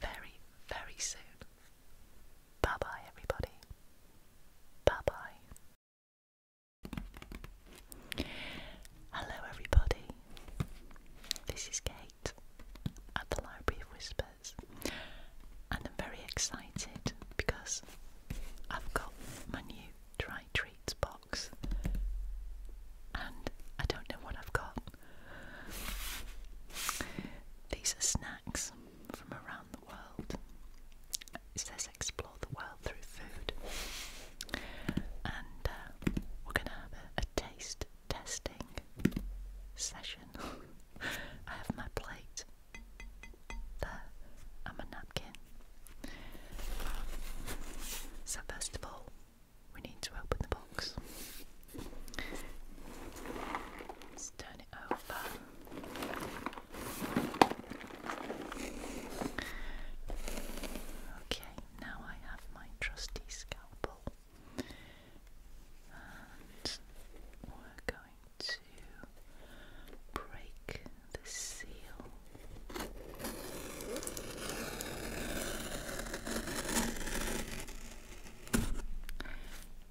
very, very soon. Bye bye, everybody. Bye bye. Hello, everybody. This is Kate at the Library of Whispers, I'm very excited because I've got my new dry treats box and I don't know what I've got. These are snacks from around the world. It says explore the world through food. And uh, we're going to have a taste testing session. [LAUGHS] I have my plate there, I'm napkin. So, first of all, we need to open the box. Let's turn it over. Okay, now I have my trusty scalpel. And we're going to break the seal.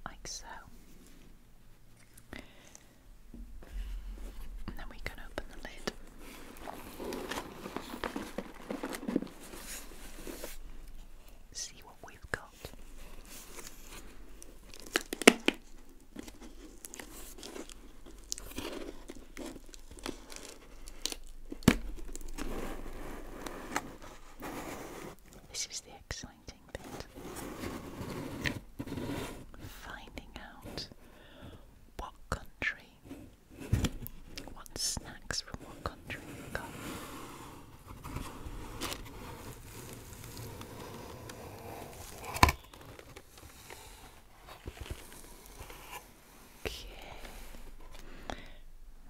Like so. And then we can open the lid. See what we've got. This is the exciting bit. Finding out what country, what snacks from what country you Okay.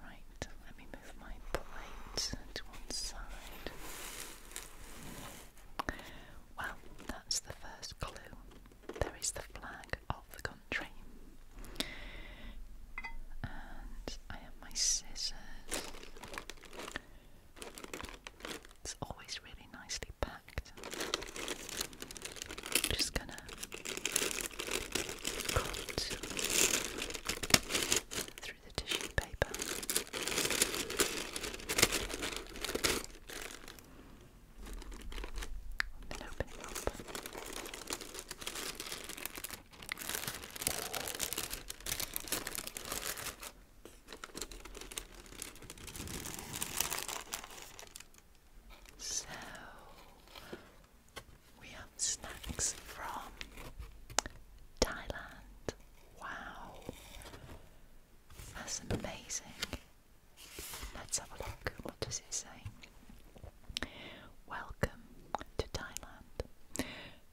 Right, let me move my plate to one side. Well, that's the first clue. There is the flag of the country. And I have my scissors. It's always really nicely packed. just gonna cut through the tissue paper. And open it up. So we have snacks from Thailand. Wow, that's amazing. Let's have a look. What does it say? Welcome to Thailand.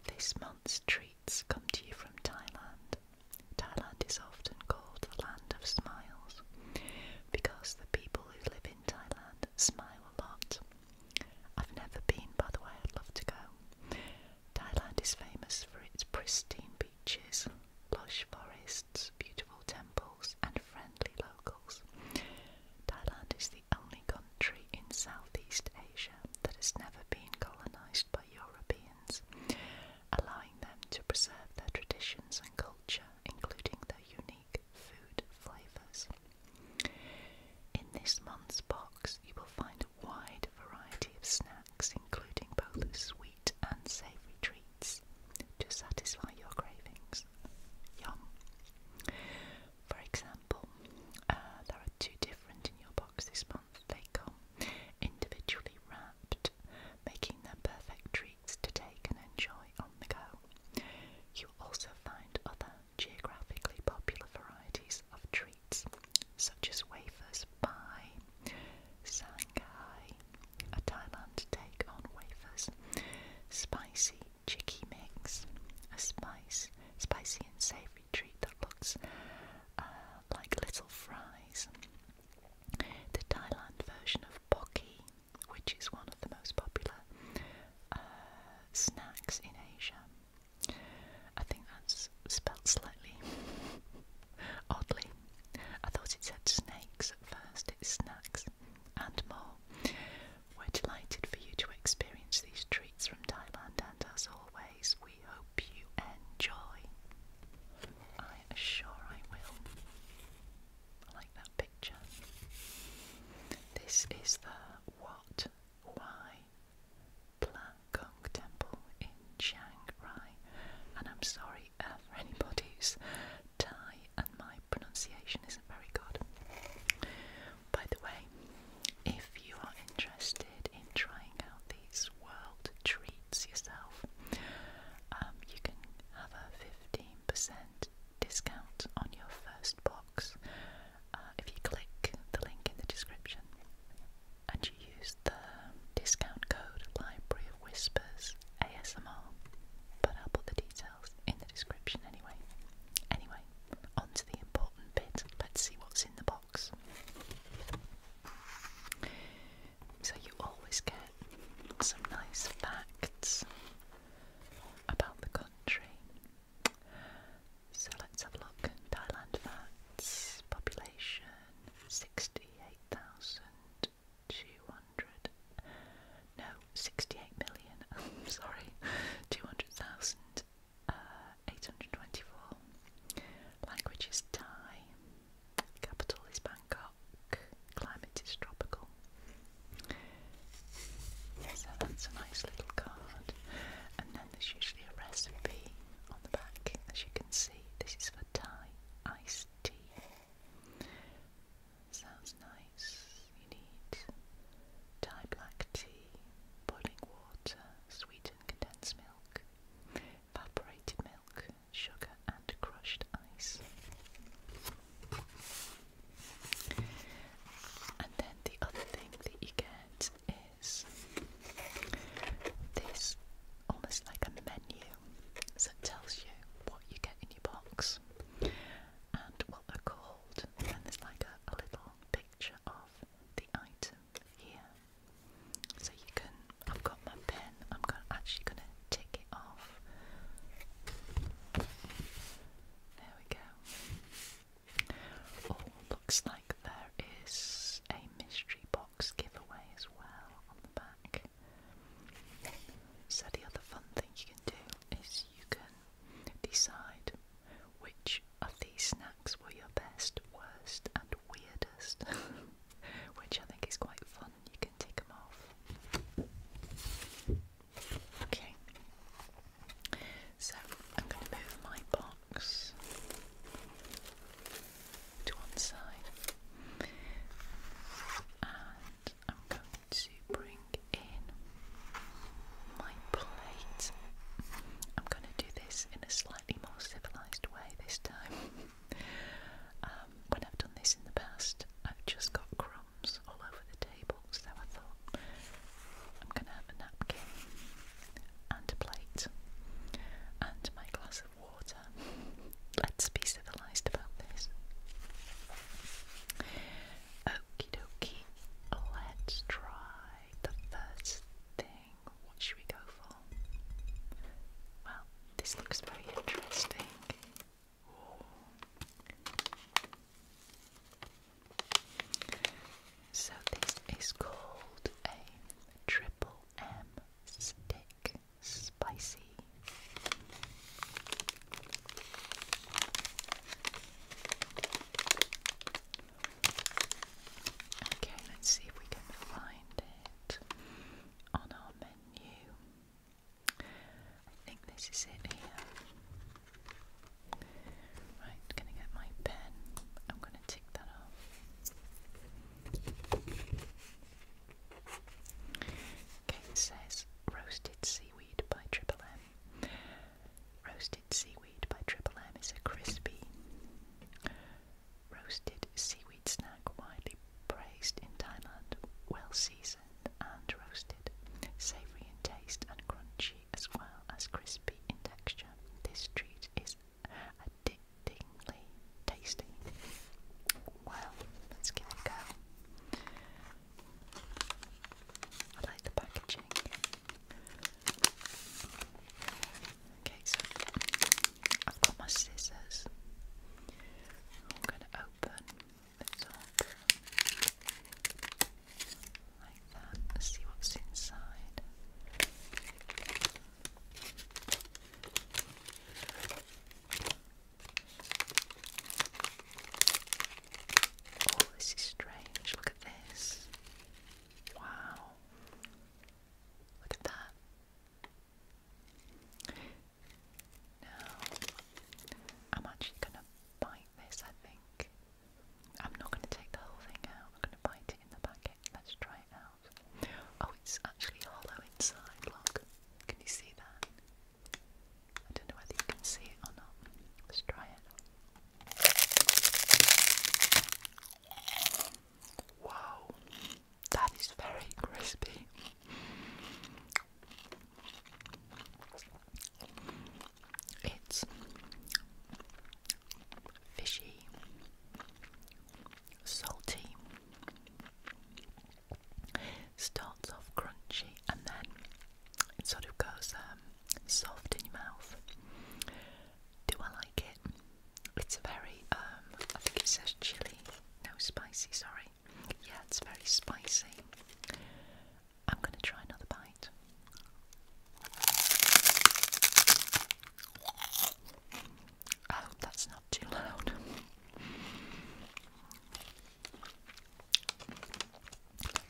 This month's treats come to you from Thailand. Thailand is often called the land of smiles because the people who live in Thailand smile a lot. I've never been, by the way, I'd love to go. Thailand is famous for its pristine beaches, lush forests, beautiful temples, and friendly locals. Thailand is the only country in Southeast Asia that has never been colonized by Europeans, allowing them to preserve their traditions and culture, including their unique food flavours. In this month's box, you will find a wide variety of snacks, including both sweet and savoury treats, to satisfy your cravings. Yum! For example, uh, there are two different in your box this month. They come individually wrapped, making them perfect treats to take and enjoy on the go. You also find other geographically popular varieties of treats, such as wafers by sanghai, a Thailand take on wafers, spicy chicky mix, a spice, spicy and savoury treat that looks uh, like little fries, the Thailand version of Pocky, which is one of the most popular uh, snacks in Asia. I think that's spelled slightly [LAUGHS] oddly. I thought it said snakes at first, it's snacks and more. We're delighted for you to experience these treats from Thailand, and as always, we hope you enjoy. I am sure I will. I like that picture. This is the Wat Wai Pla Kong Temple in Chiang Rai, and I'm sorry uh, for anybody who's Thai and my pronunciation isn't very good. By the way, if you are interested in trying out this world treats yourself, um, you can have a 15% discount on your first box uh, if you click the link in the description and you use the discount code Library of Whispers ASMR. But I'll put the details in the description anyway. Anyway, on to the important bit. Let's see what's in the box. So you always get some nice facts about the country. So let's have a look. at Thailand facts, population 68,200. No, 68 [LAUGHS] sorry, 200,000. Uh, 824. Language is Thai. Capital is Bangkok. Climate is tropical. So that's a nice little card. And then there's usually a recipe on the back. As you can see, this is for Thai iced tea. Sounds nice. You need Thai black tea, boiling water, sweetened condensed milk, evaporated milk, sugar, and crushed ice. And then the other thing that you get is this almost like a menu that tells you what you get in your box and what are called. And there's like a little picture of the item here. So you can I've got my pen. I'm actually going to take it off. There we go. Oh, looks like there is a mystery box giveaway as well on the back. So, the other fun thing you can do is you can decide which of these snacks were your best, worst, and weirdest, [LAUGHS] which I think is quite fun you can take them off. Okay, so I'm going to move my box to one side and I'm going to bring in my plate. I'm going to do this in a slightly more civilized way this time. [LAUGHS] Um, when I've done this in the past, I've just got crumbs all over the table, so I thought I'm going to have a napkin and a plate and my glass of water. Let's be civilised about this. Okie dokie, let's try the first thing. What should we go for? Well, this looks very interesting. So this is called a triple M stick spicy. Okay, let's see if we can find it on our menu. I think this is it here. Right, gonna get my pen. I'm gonna tick that off. Okay, says Roasted Seaweed by Triple M. Roasted Seaweed by Triple M is a crispy roasted seaweed sweet snack widely praised in Thailand, well seasoned and roasted, savory in taste and crunchy as well as crispy in texture. This treat is addictingly tasty. Well, let's give it a go. I like the packaging. Okay, so I've got my scissors open. Like that. see what's inside. Oh, this is strange. Look at this. Wow. Look at that. Now, I'm actually going to bite this, I think. I'm not going to take the whole thing out, I'm going to bite it in the packet. Let's try it out. Oh, it's actually hollow inside, look. Can you see that? I don't know whether you can see it or not. Let's try it. Wow, that is very crispy. It's fishy, salty, starts off crunchy, and then it sort of goes um, soft in your mouth. Do I like it? It's a very, um, I think it says chili, no spicy, sorry. Yeah, it's very spicy. I'm going to try another bite. I oh, that's not too loud.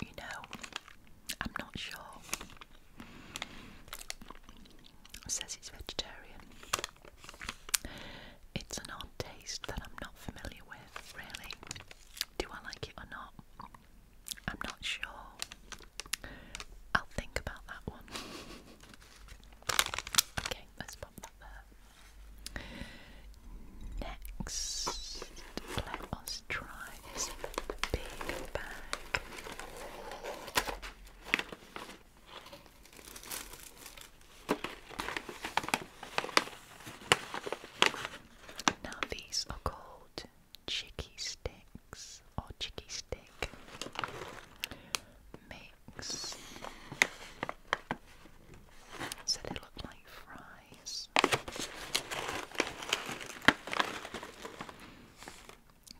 You know, I'm not sure. says it's vegetarian. It's an odd taste that I'm not familiar with, really. Do I like it or not? I'm not sure. I'll think about that one. Okay, let's pop that there. Next, let us try this big bag. Now these are called chicky sticks or chicky stick mix. So they look like fries.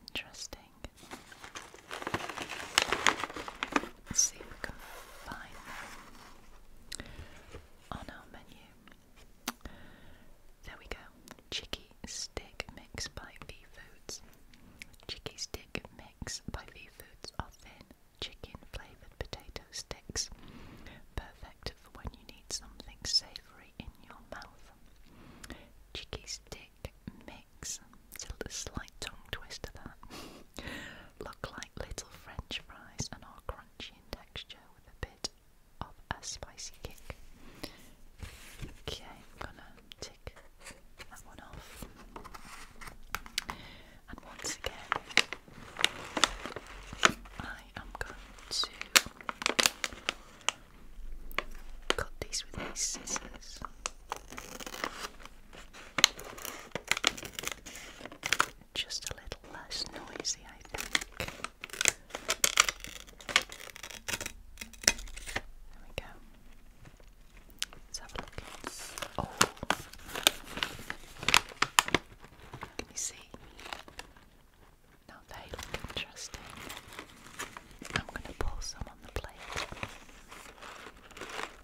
Interesting. Let's see if we can find them on our menu. There we go. Chicky stick mix by V Foods. Chicky stick mix by V Foods are thin chicken flavoured potato sticks. Perfect for when you need something savoury in your mouth. Chicky stick mix. It's a slight tongue twister that look like little french fries and are crunchy in texture with a bit of a spicy kick. Okay, I'm gonna tick that one off. And once again, I am going to cut these with my scissors. Just a little less noisy, I think. There we go. Let's have a look. Oh, can you see? Now they look interesting. I'm going to pour some on the plate. Let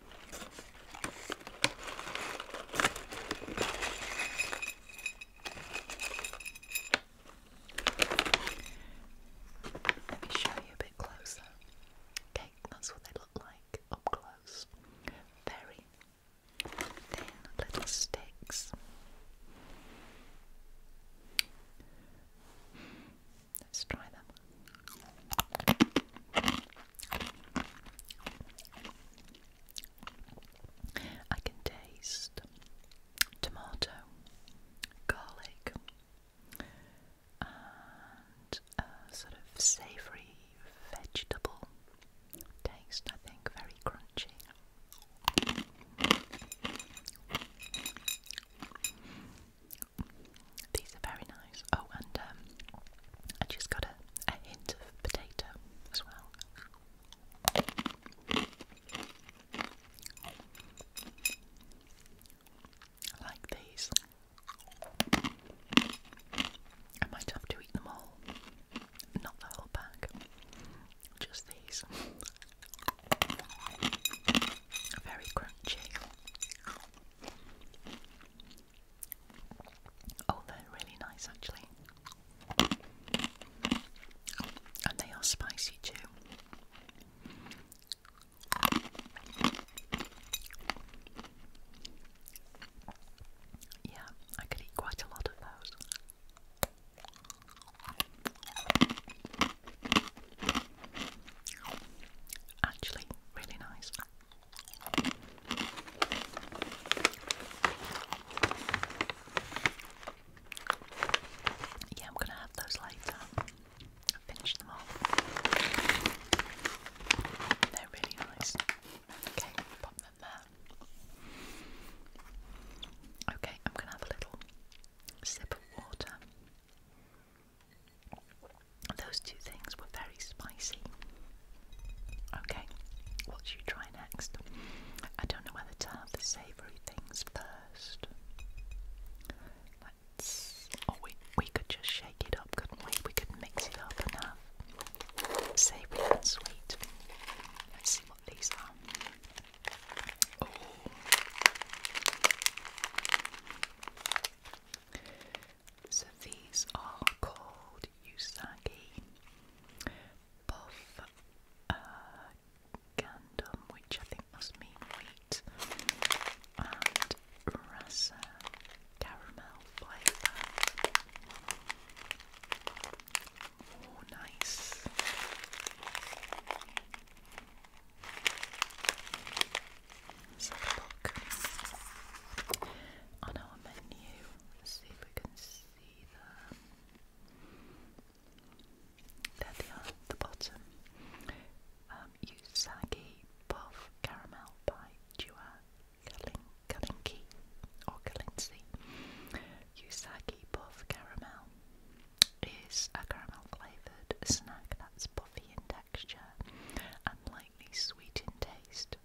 me show you a bit closer. Okay, that's what they look like up close. Very thin little sticks. Let's try them. I can taste tomato, garlic, and a sort of savoury vegetable taste, I think, very crunchy. These are very nice nice. Oh, and I um, just got a, hint of potato as well. I like these. I might to eat them all. Not the whole bag. Just these. Very crunchy. Oh, they're really nice actually. And they are spicy too. Yeah, I could eat quite a lot of those. Actually, really nice. Yeah, I'm gonna have those later. i them all. They're really nice. Okay, pop them there. Okay, I'm gonna have a little sip of water. Those two things were very spicy. Okay, what should you try next? I don't know whether to have the savoury things first. Let's. Oh, we, we could just shake it up, couldn't we? We could mix it up and savoury and sweet. Let's see what these are. Oh. So these are called called Usagi. Buff uh, which I think must mean wheat, and Rasa Caramel flavour. Oh, nice. let look on our menu see if we can see them. There uh, the bottom. Um, Puff Caramel by Dua Kalin or Kalinsi. Usagi Puff Caramel is a caramel flavoured snack that's puffy in texture and lightly sweet in taste.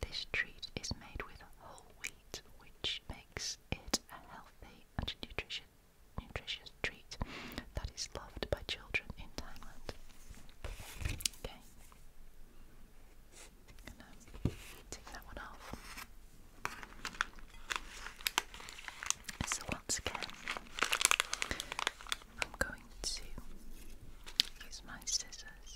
This treat is made with whole wheat, which makes it a healthy and nutritious, treat that is loved by children in Thailand. Okay. Gonna take that one off. So once again, I'm going to use my scissors Let's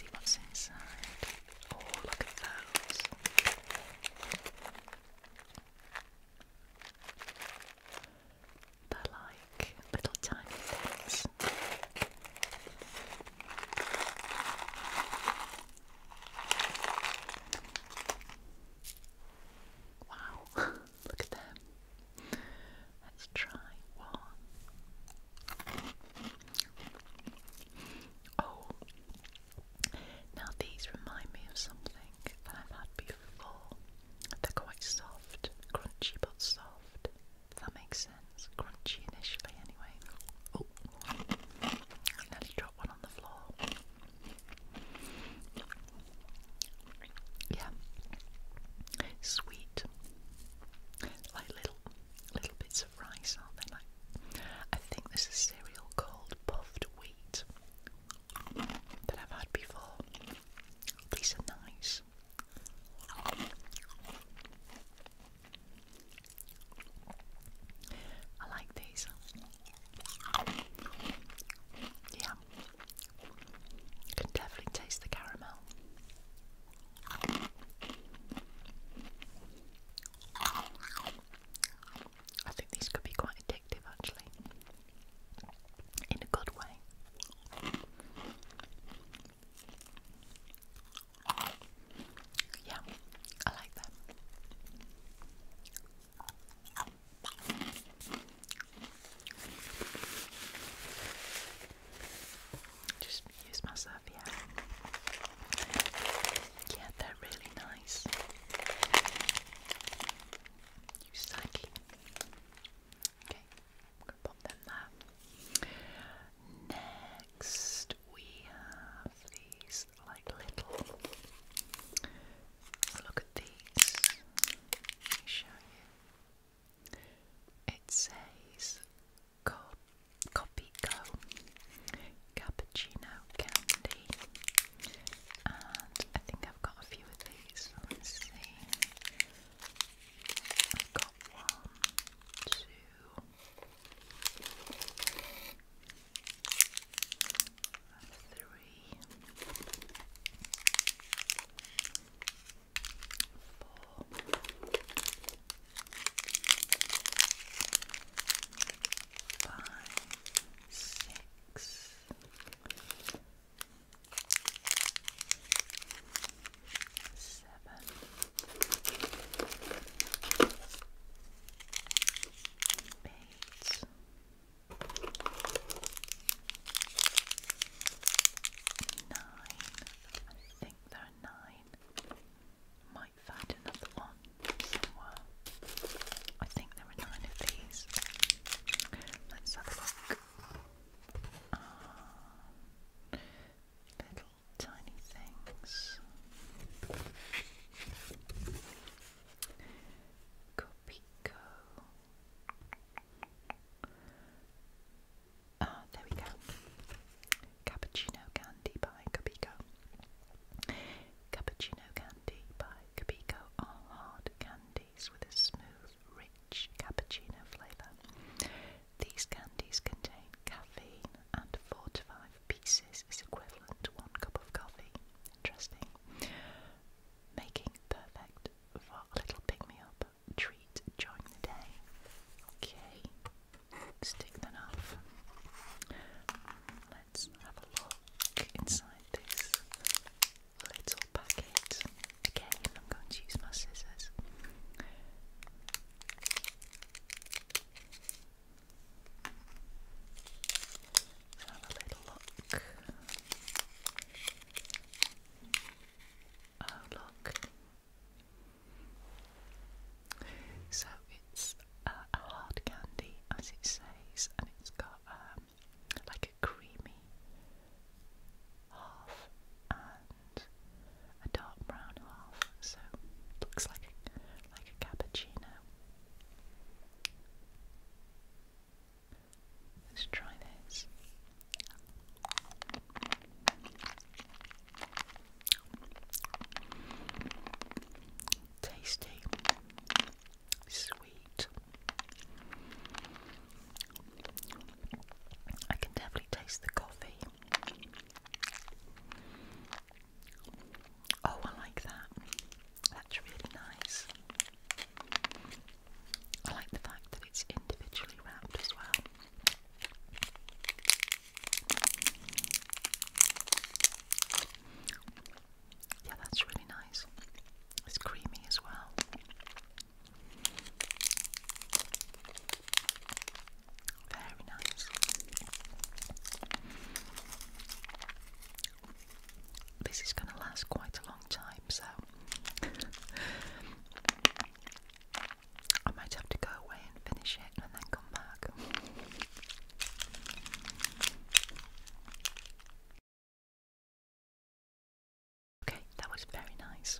see what's inside. Oh, look at those. They're like little tiny things this. Wow, [LAUGHS] look at them. Let's try one. Oh, now these remind me of something that I've had before. They're quite soft, crunchy but soft that makes sense. Crunchy initially, anyway. Oh, nearly dropped one on the floor. Yeah, sweet. Like little, little bits of rice, I think there's a cereal called puffed wheat that I've had before. These are nice. I like these. Yeah. can definitely taste the caramel. I think these could be quite addictive actually. In a good way. Yeah, I like that. Just use myself, yeah. Yeah, they're really nice. You psyche. Okay, I'm gonna pop them there. Next, we have these like little. Look at these. Let me show you. It says Cop Copico Cappuccino Candy. And I think I've got a few of these. Let's see. i got one, two, three, four, five, six. Seven, Eight. Nine. I think there are nine. Might find another one somewhere. I think there are nine of these. Let's have a look. Uh, tiny things. Copico. Ah, there we go. Cappuccino Candy by Capico. Cappuccino Candy by Capico. are hard candies with a smooth, rich cappuccino flavour. These candies contain caffeine, and four to five pieces is equivalent to one cup of coffee. Interesting. Making perfect for a little pick me up treat during the day. Okay, stick that off. Let's have a look inside this little packet. Again, I'm going to use my scissors have a little look. Oh, look. So it's uh, a hard candy, as it says, and it's got um, like a creamy half and a dark brown half, so it looks like a, like a cappuccino. Let's try this. Tasty, sweet. I can definitely taste the coffee. Oh, I like that. That's really nice. I like the fact that it's individually wrapped as well. Yeah, that's really nice. It's creamy as well. Very nice. This is going to last quite a long time, so I might have to go away and finish it and then come back. Okay, that was very nice.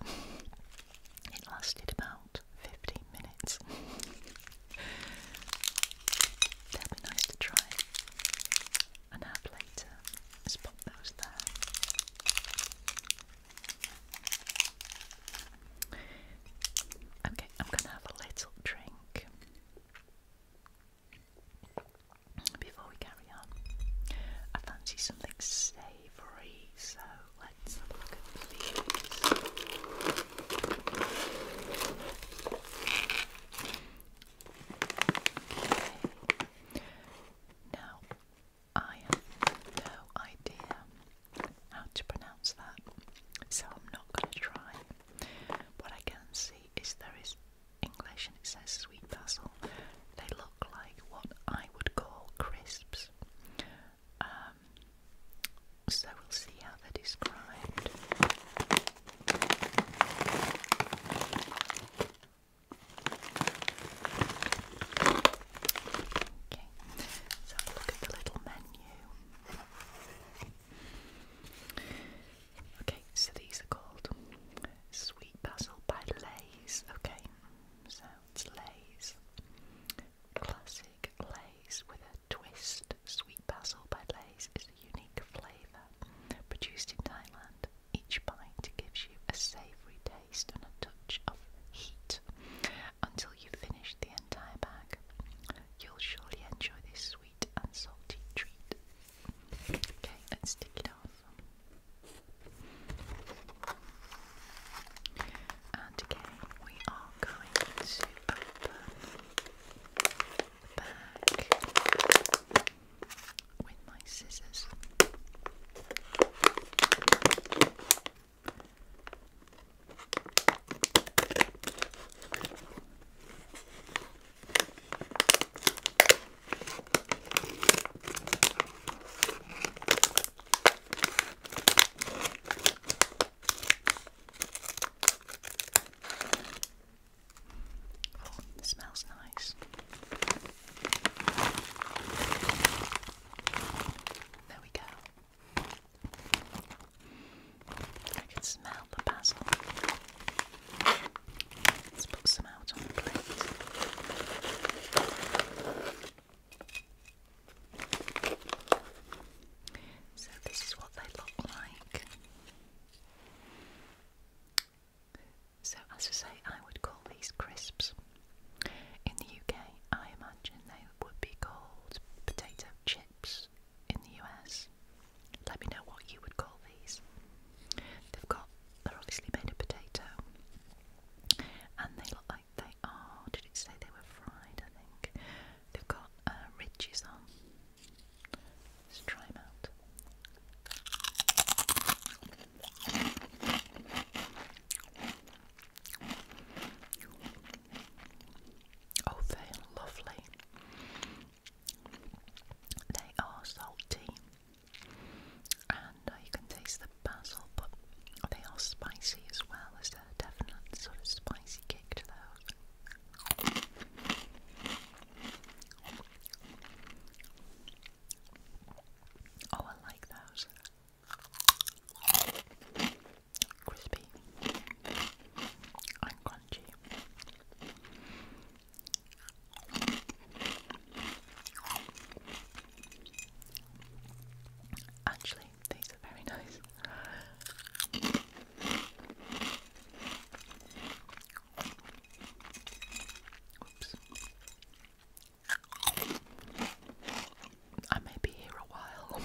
It lasted about 15 minutes. [LAUGHS] That'd be nice to try and have later. let those there. Okay, I'm going to have a little drink before we carry on. I fancy something savoury, so let's now, I have no idea how to pronounce that, so I'm not going to try. What I can see is there is English and it says sweet basil. They look like what I would call crisps. Um, so we'll see how they're described. so look at the little menu. Okay, so these are called Sweet Basil by Lay's. Okay, so Lay's. Classic Lay's with twist sweet basil by Lay's is a unique flavour. Produced in Thailand, each bite gives you a savoury taste and a touch of heat until you finish the entire bag. You'll surely enjoy this sweet and salty treat. Okay, let's stick it off. And we are going to the bag with my scissors. Oh, smells nice. There we go. I can smell the basil. Let's put some out on the plate. So this is what they look like. So as I say, I would call these crisps. In the UK, I imagine they would be called potato chips. In the US, let me know what you would call these. They've got they're obviously made of potato, and they look like they are. Did it say they were fried? I think They've got uh, ridges on. Let's try them out. Oh, they're lovely. They are salty, and uh, you can taste the basil, but they are spicy as well. There's a definite sort of spicy kick to those. Oh, I like those. Crispy and crunchy. Actually, these are very [LAUGHS] nice. Oops. I may be here a while.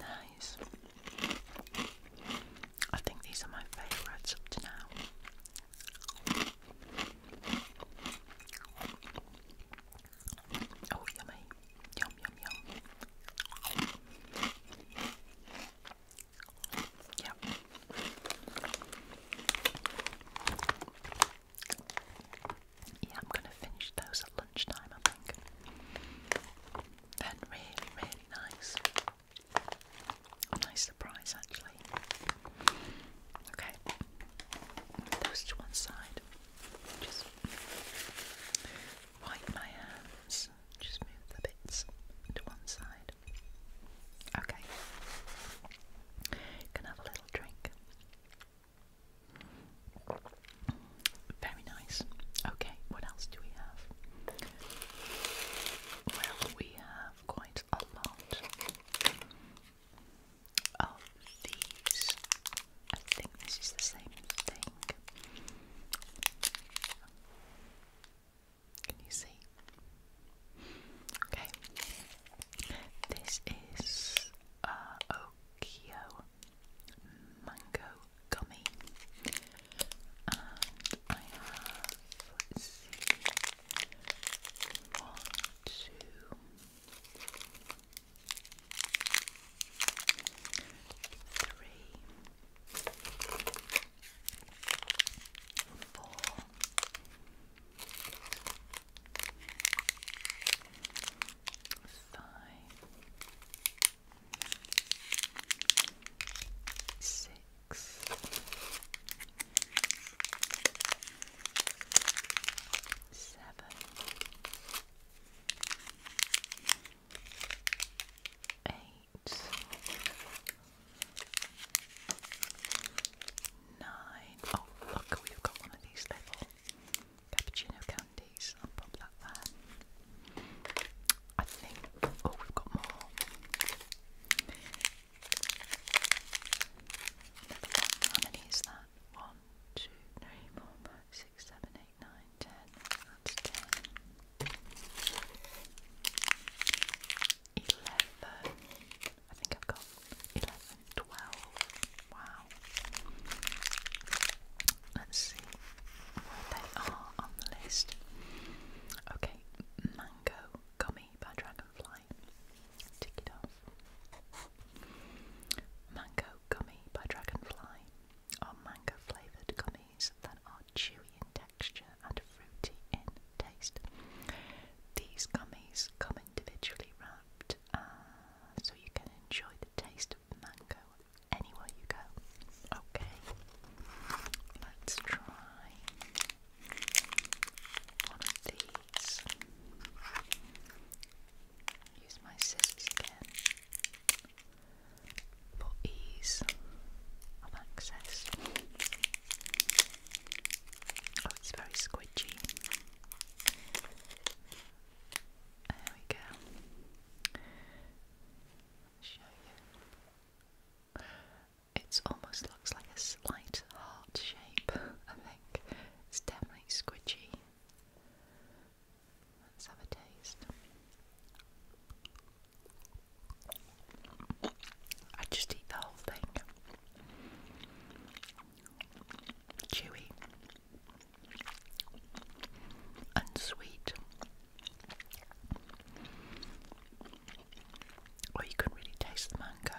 Nice. I think these are my favourites up to now. Oh, yummy. Yum, yum, yum. Yep. Yeah, I'm going to finish those at lunchtime, I think and really, really nice. A nice surprise, actually. Okay, those to one side. Just wipe my hands. Just move the bits to one side. Okay, can have a little drink. Very nice. Okay, what else do we have? Well, we have quite a lot of these. I think this is the same thing. Can you see? Okay. This is uh, Okio Mango gummy. And I have, let's see, one, two, three, four, five six, seven, eight, nine. Oh, look, we've got one of these little cappuccino candies. I'll that there. I think. Oh, we've got more. Another one. How many is That's ten. Eleven. I think I've got eleven, twelve. Wow. Let's see where they are on the list. Okay, Mango Gummy by Dragonfly. Tick off. Mango Gummy by Dragonfly are mango flavoured gummies that are chewy in texture and fruity in taste. These gummies come individually wrapped uh, so you can enjoy the taste mango anywhere you go. Okay, let's try one of these. Use my scissors again for ease of access. Oh, it's very squidgy. There we go show It almost looks like a slight heart shape, [LAUGHS] I think. It's definitely squidgy. Let's have a taste. I just eat the whole thing. Chewy and sweet well, you can really taste the mango.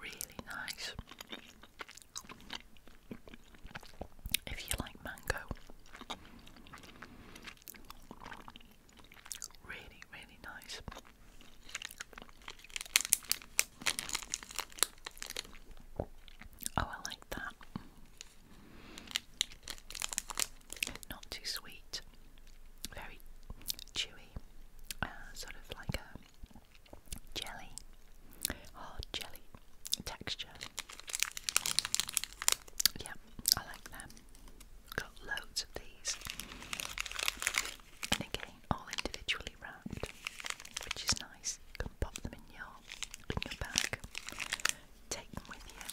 Really nice. If you like mango, really, really nice. Oh, I like that. Not too sweet, very chewy, uh, sort of like a jelly, hard jelly texture. Yeah, I like them. Got loads of these. And again, all individually wrapped, which is nice. can pop them in your are in your bag. Take them with you.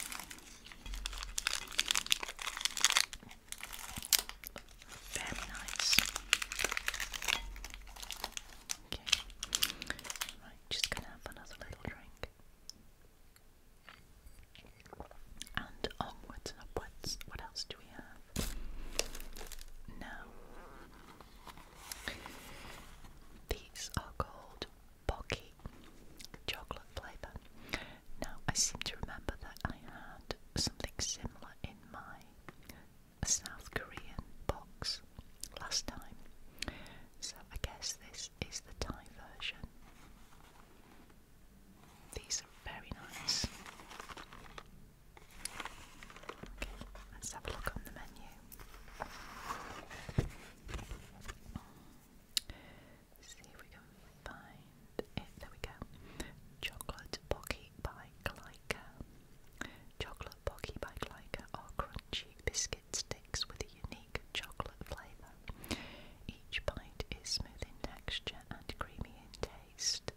Very nice. Okay. Right, just gonna have another little drink. And onwards and upwards. What else do we have? No. These are called Pocky chocolate flavour. Now, I seem to remember that I had something similar in my South Korean box last time, so I guess this is the Thai version. These are very nice. Okay, let's have a look on the menu see if we can find it. There we go. Chocolate Pocky by Glyca. Chocolate Pocky by Glyca are crunchy biscuit sticks with a unique chocolate flavour. Each bite is smooth in texture and creamy in taste.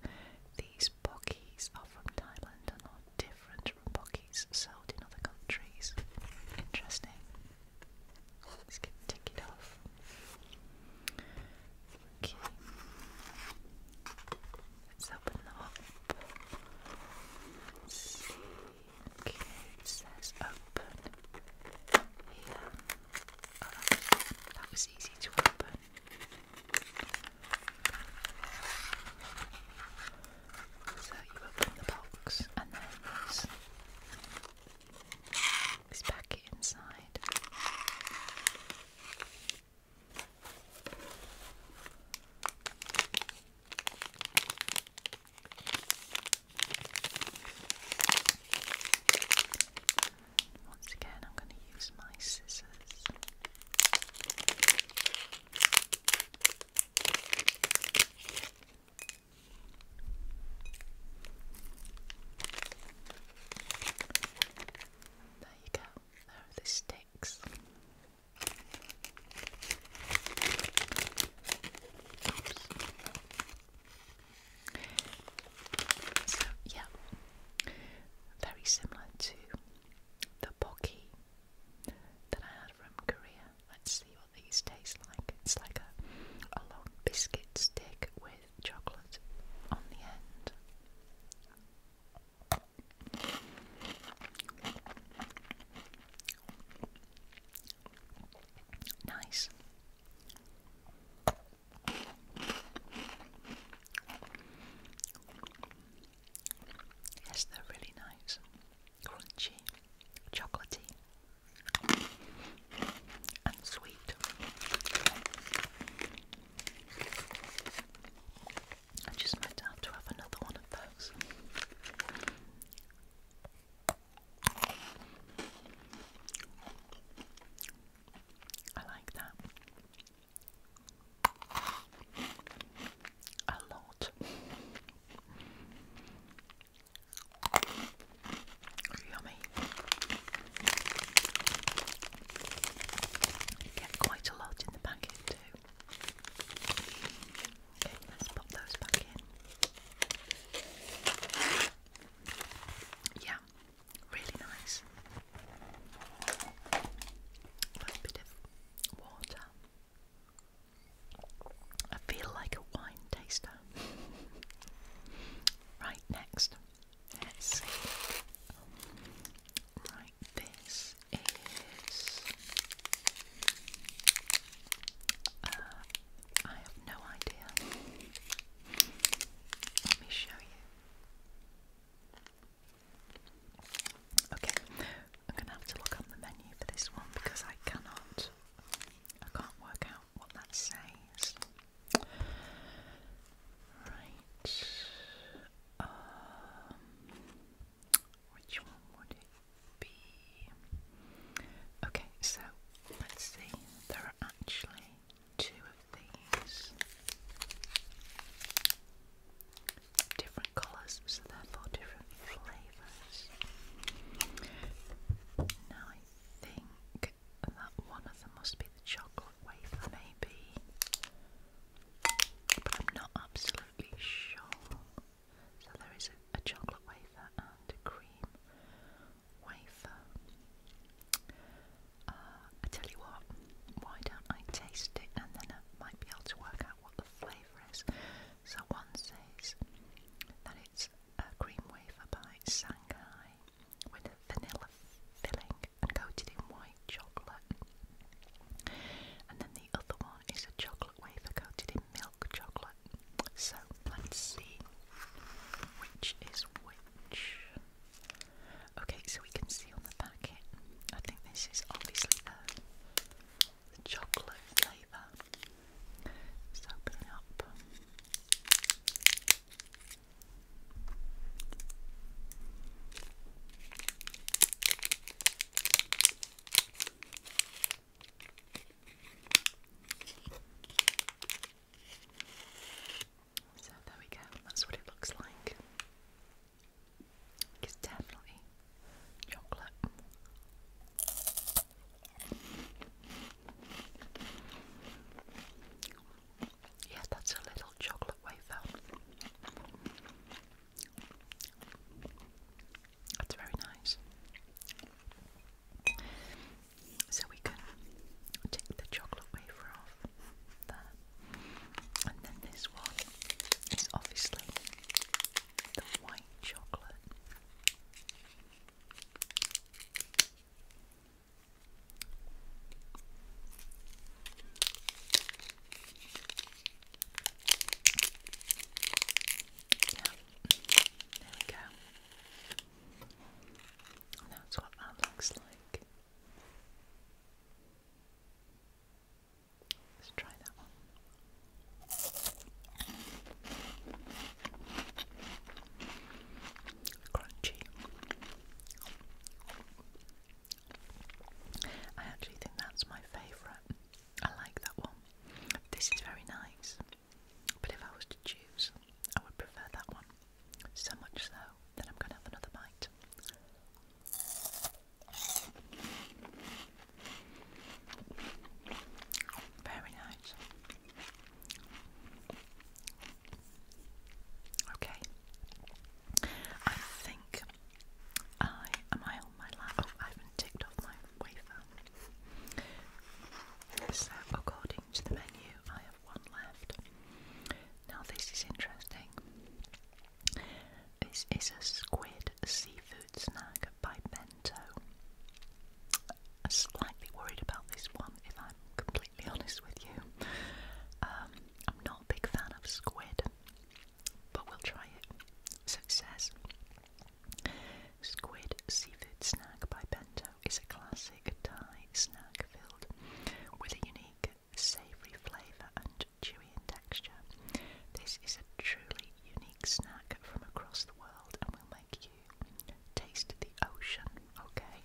These Pockies are from Thailand and are different from Pockies sold in other countries. Interesting. Let's get, take it off. Okay. Let's open them up. see. Okay, it says open here. Oh, that was easy to open. So you open the box and there is this packet inside. Once again, I'm going to use my scissors. There you go, there are the sticks. So, yeah, very similar to the Pocky that I had from Korea. Let's see what these taste like. It's like a, a long biscuit stick with chocolate on the end. Nice. Yes, they're really nice, crunchy, chocolaty, and sweet. I just might have to have another one of those. I like that a lot. Yummy. You get quite a lot in the packet too. Okay, let's pop those back in. Yeah, really nice. A bit of water. I feel like a wine taster. [LAUGHS] right, next. Let's see. Right, this is. Uh, I have no idea. Let me show you. Okay, I'm gonna have to look on the menu for this one because I cannot I can't work out what that says. Right. Um, which one would it be? Okay, so let's see. There are actually two of these. Different colours, so therefore different flavours. I think that one of them must be the chocolate wafer, maybe, but I'm not absolutely sure. So there is a, chocolate wafer and a cream wafer. Uh, I tell you what, why don't I taste it and then I might be able to work out what the flavour is. So one says that it's a cream wafer by Shanghai with a vanilla filling and coated in white chocolate. And then the other one is a chocolate wafer coated in milk chocolate. So let's see which is which. Okay, so we can see on the packet. I think this is obviously the the chocolate flavour. Let's up. So there we go, that's what it looks like. It's definitely chocolate. Yeah, that's a little chocolate wafer. That's very nice. So we can take the chocolate wafer off there. And then this one is obviously the white chocolate. there we go. that's what that looks like. Let's try that one. Crunchy. I actually think that's my favourite. I like that one. This is very nice, but if I was to choose, I would prefer that one. So much so that I'm going to have another bite. Very nice. Okay. I think I am I on my lap oh I haven't ticked off my wafer. So according to the menu I have one left. Now this is interesting. This is a squid seafood snack by Bento. I'm slightly worried about this one, if I'm completely [LAUGHS] honest with you. Um, I'm not a big fan of squid, but we'll try it. Success. Squid Seafood Snack by Bento is a classic Thai snack filled with a unique savoury flavour and chewy texture. This is a truly unique snack from across the world and we will make you taste the ocean, okay?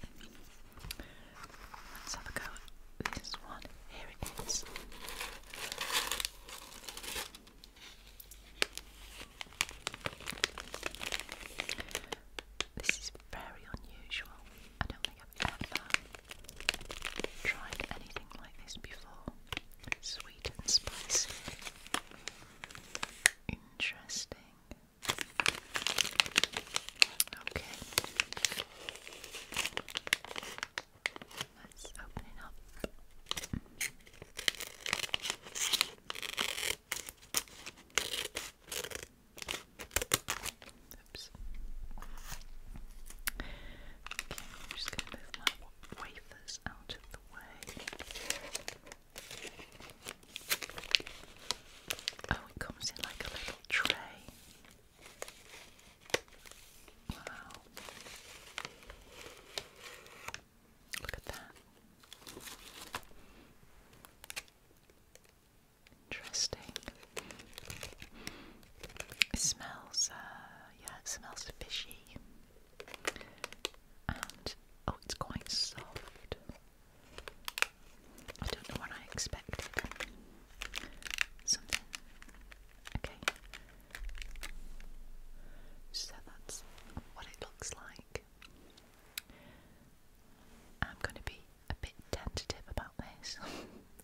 Let's have a go this one. Here it is. This is very unusual. I don't think I've ever tried anything like this before. Sweet and spicy. Interesting. Okay. Let's open it up. Oops. Okay, I'm just going to move my wafers out of the way. Oh, it comes in like a little tray. Wow. Look at that. Interesting. It smells, uh, yeah, it smells fishy oh, it's quite soft. I don't know what I expected. Okay. So that's what it looks like. I'm going to be a bit tentative about this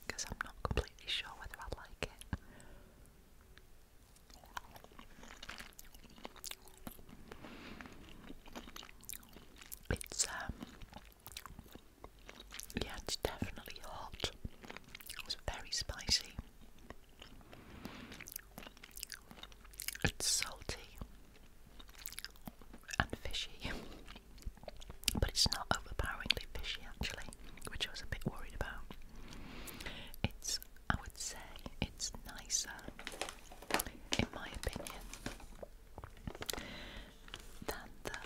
because [LAUGHS] I'm not completely sure whether I like it. It's um, yeah, it's definitely hot. It's very spicy. It's salty and fishy. [LAUGHS] But it's not overpoweringly fishy actually, which I was a bit worried about. It's I would say it's nicer, in my opinion, than the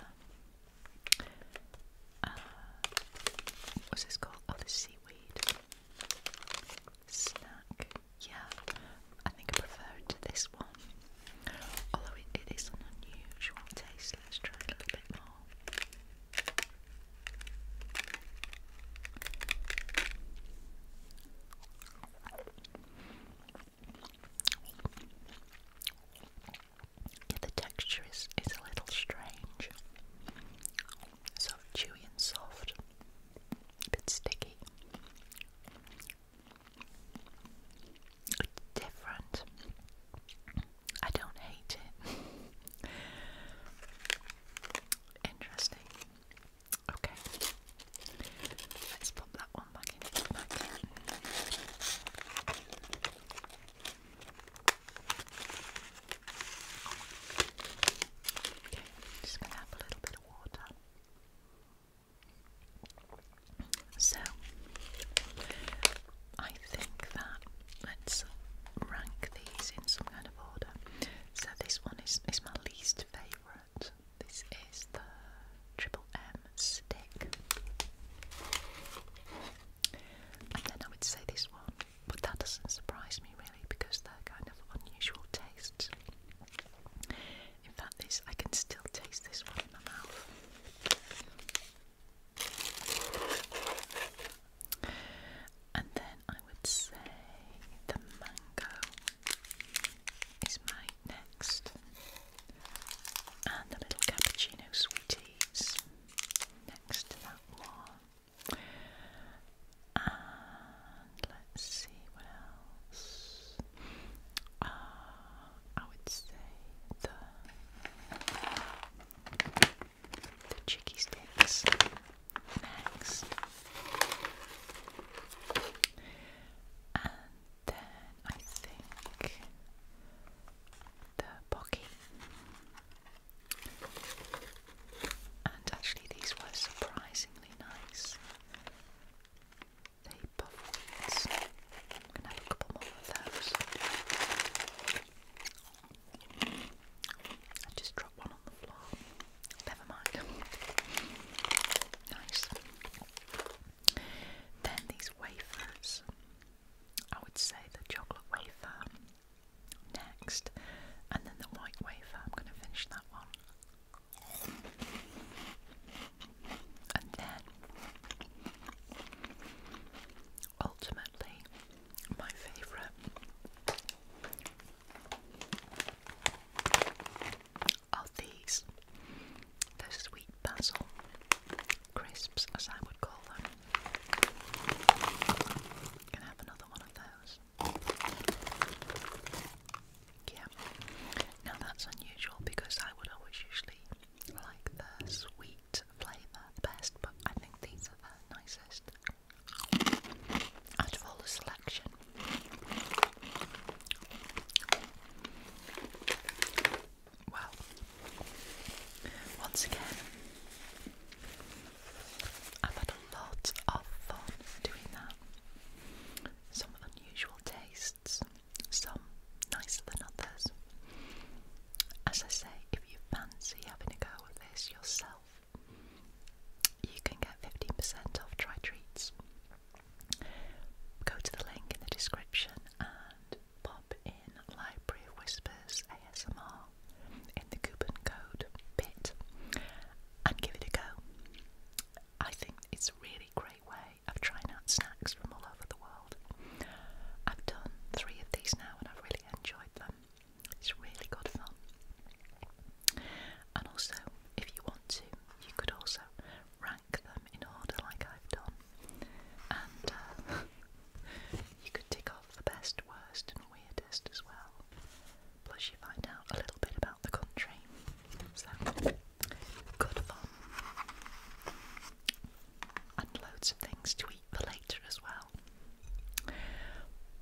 uh, what's this called? Oh, the seaweed snack. Yeah, I think I prefer to this one. Although it, it is an unusual taste, let's try a little bit more. Yeah, the texture is, is a little strange. Sort of chewy and soft, a bit sticky. It's different. I don't hate it. [LAUGHS] Interesting. Okay, let's pop that one back in its packet. Okay, just going to have a little bit of water. So, I think that let's rank these in some kind of order. So, this one is, is my least favourite. This is the Triple M stick. And then I would say this one, but that doesn't surprise me really because they kind of unusual tastes. In fact, this I can still taste this one in my mouth. And then I would say the mango is my next, and the little cappuccino sweeties next to that one. And let's see what else. Uh, I would say the the chicky sticks next. And then I think the Pocky. And actually, these were surprisingly nice. They buffets. i have a couple more of those. I just one on the floor. Never mind. Nice. Then these wafers. I would say the chocolate wafer next, and then the white wafer. I'm going to finish that one. And then, ultimately, my favourite are these the sweet basil crisps, as I would call them. Can have another one of those. Yeah. Now that's unusual because I would always usually like the sweet flavour best, but I think these are the nicest out of all the selection. Well, once again, I've had a lot of fun doing that. Some unusual tastes, some nicer than others. As I say, if you fancy having a go at this yourself, you can get 15% off Try Treats. Go to the link in the description and pop in Library Whispers ASMR in the coupon code BIT and give it a go. I think it's a really great way of trying out snacks from all over the world. I've done three of these now and I've really enjoyed them. It's really good fun. And also, if you want to, you could also rank them in order like I've done, and uh, [LAUGHS] you could tick off the best, worst, and weirdest as well. Plus, you find out a little bit about the country. So, good fun. And loads of things to eat for later as well.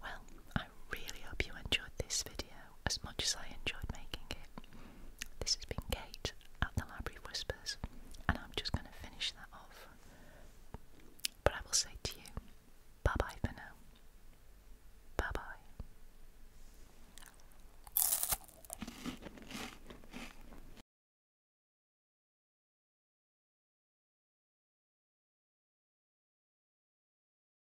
Well, I really hope you enjoyed this video as much as I enjoyed making it. This has been Kate at the Library Whispers, and I'm just going to finish that off. But I will say to you, bye bye for now. Bye bye.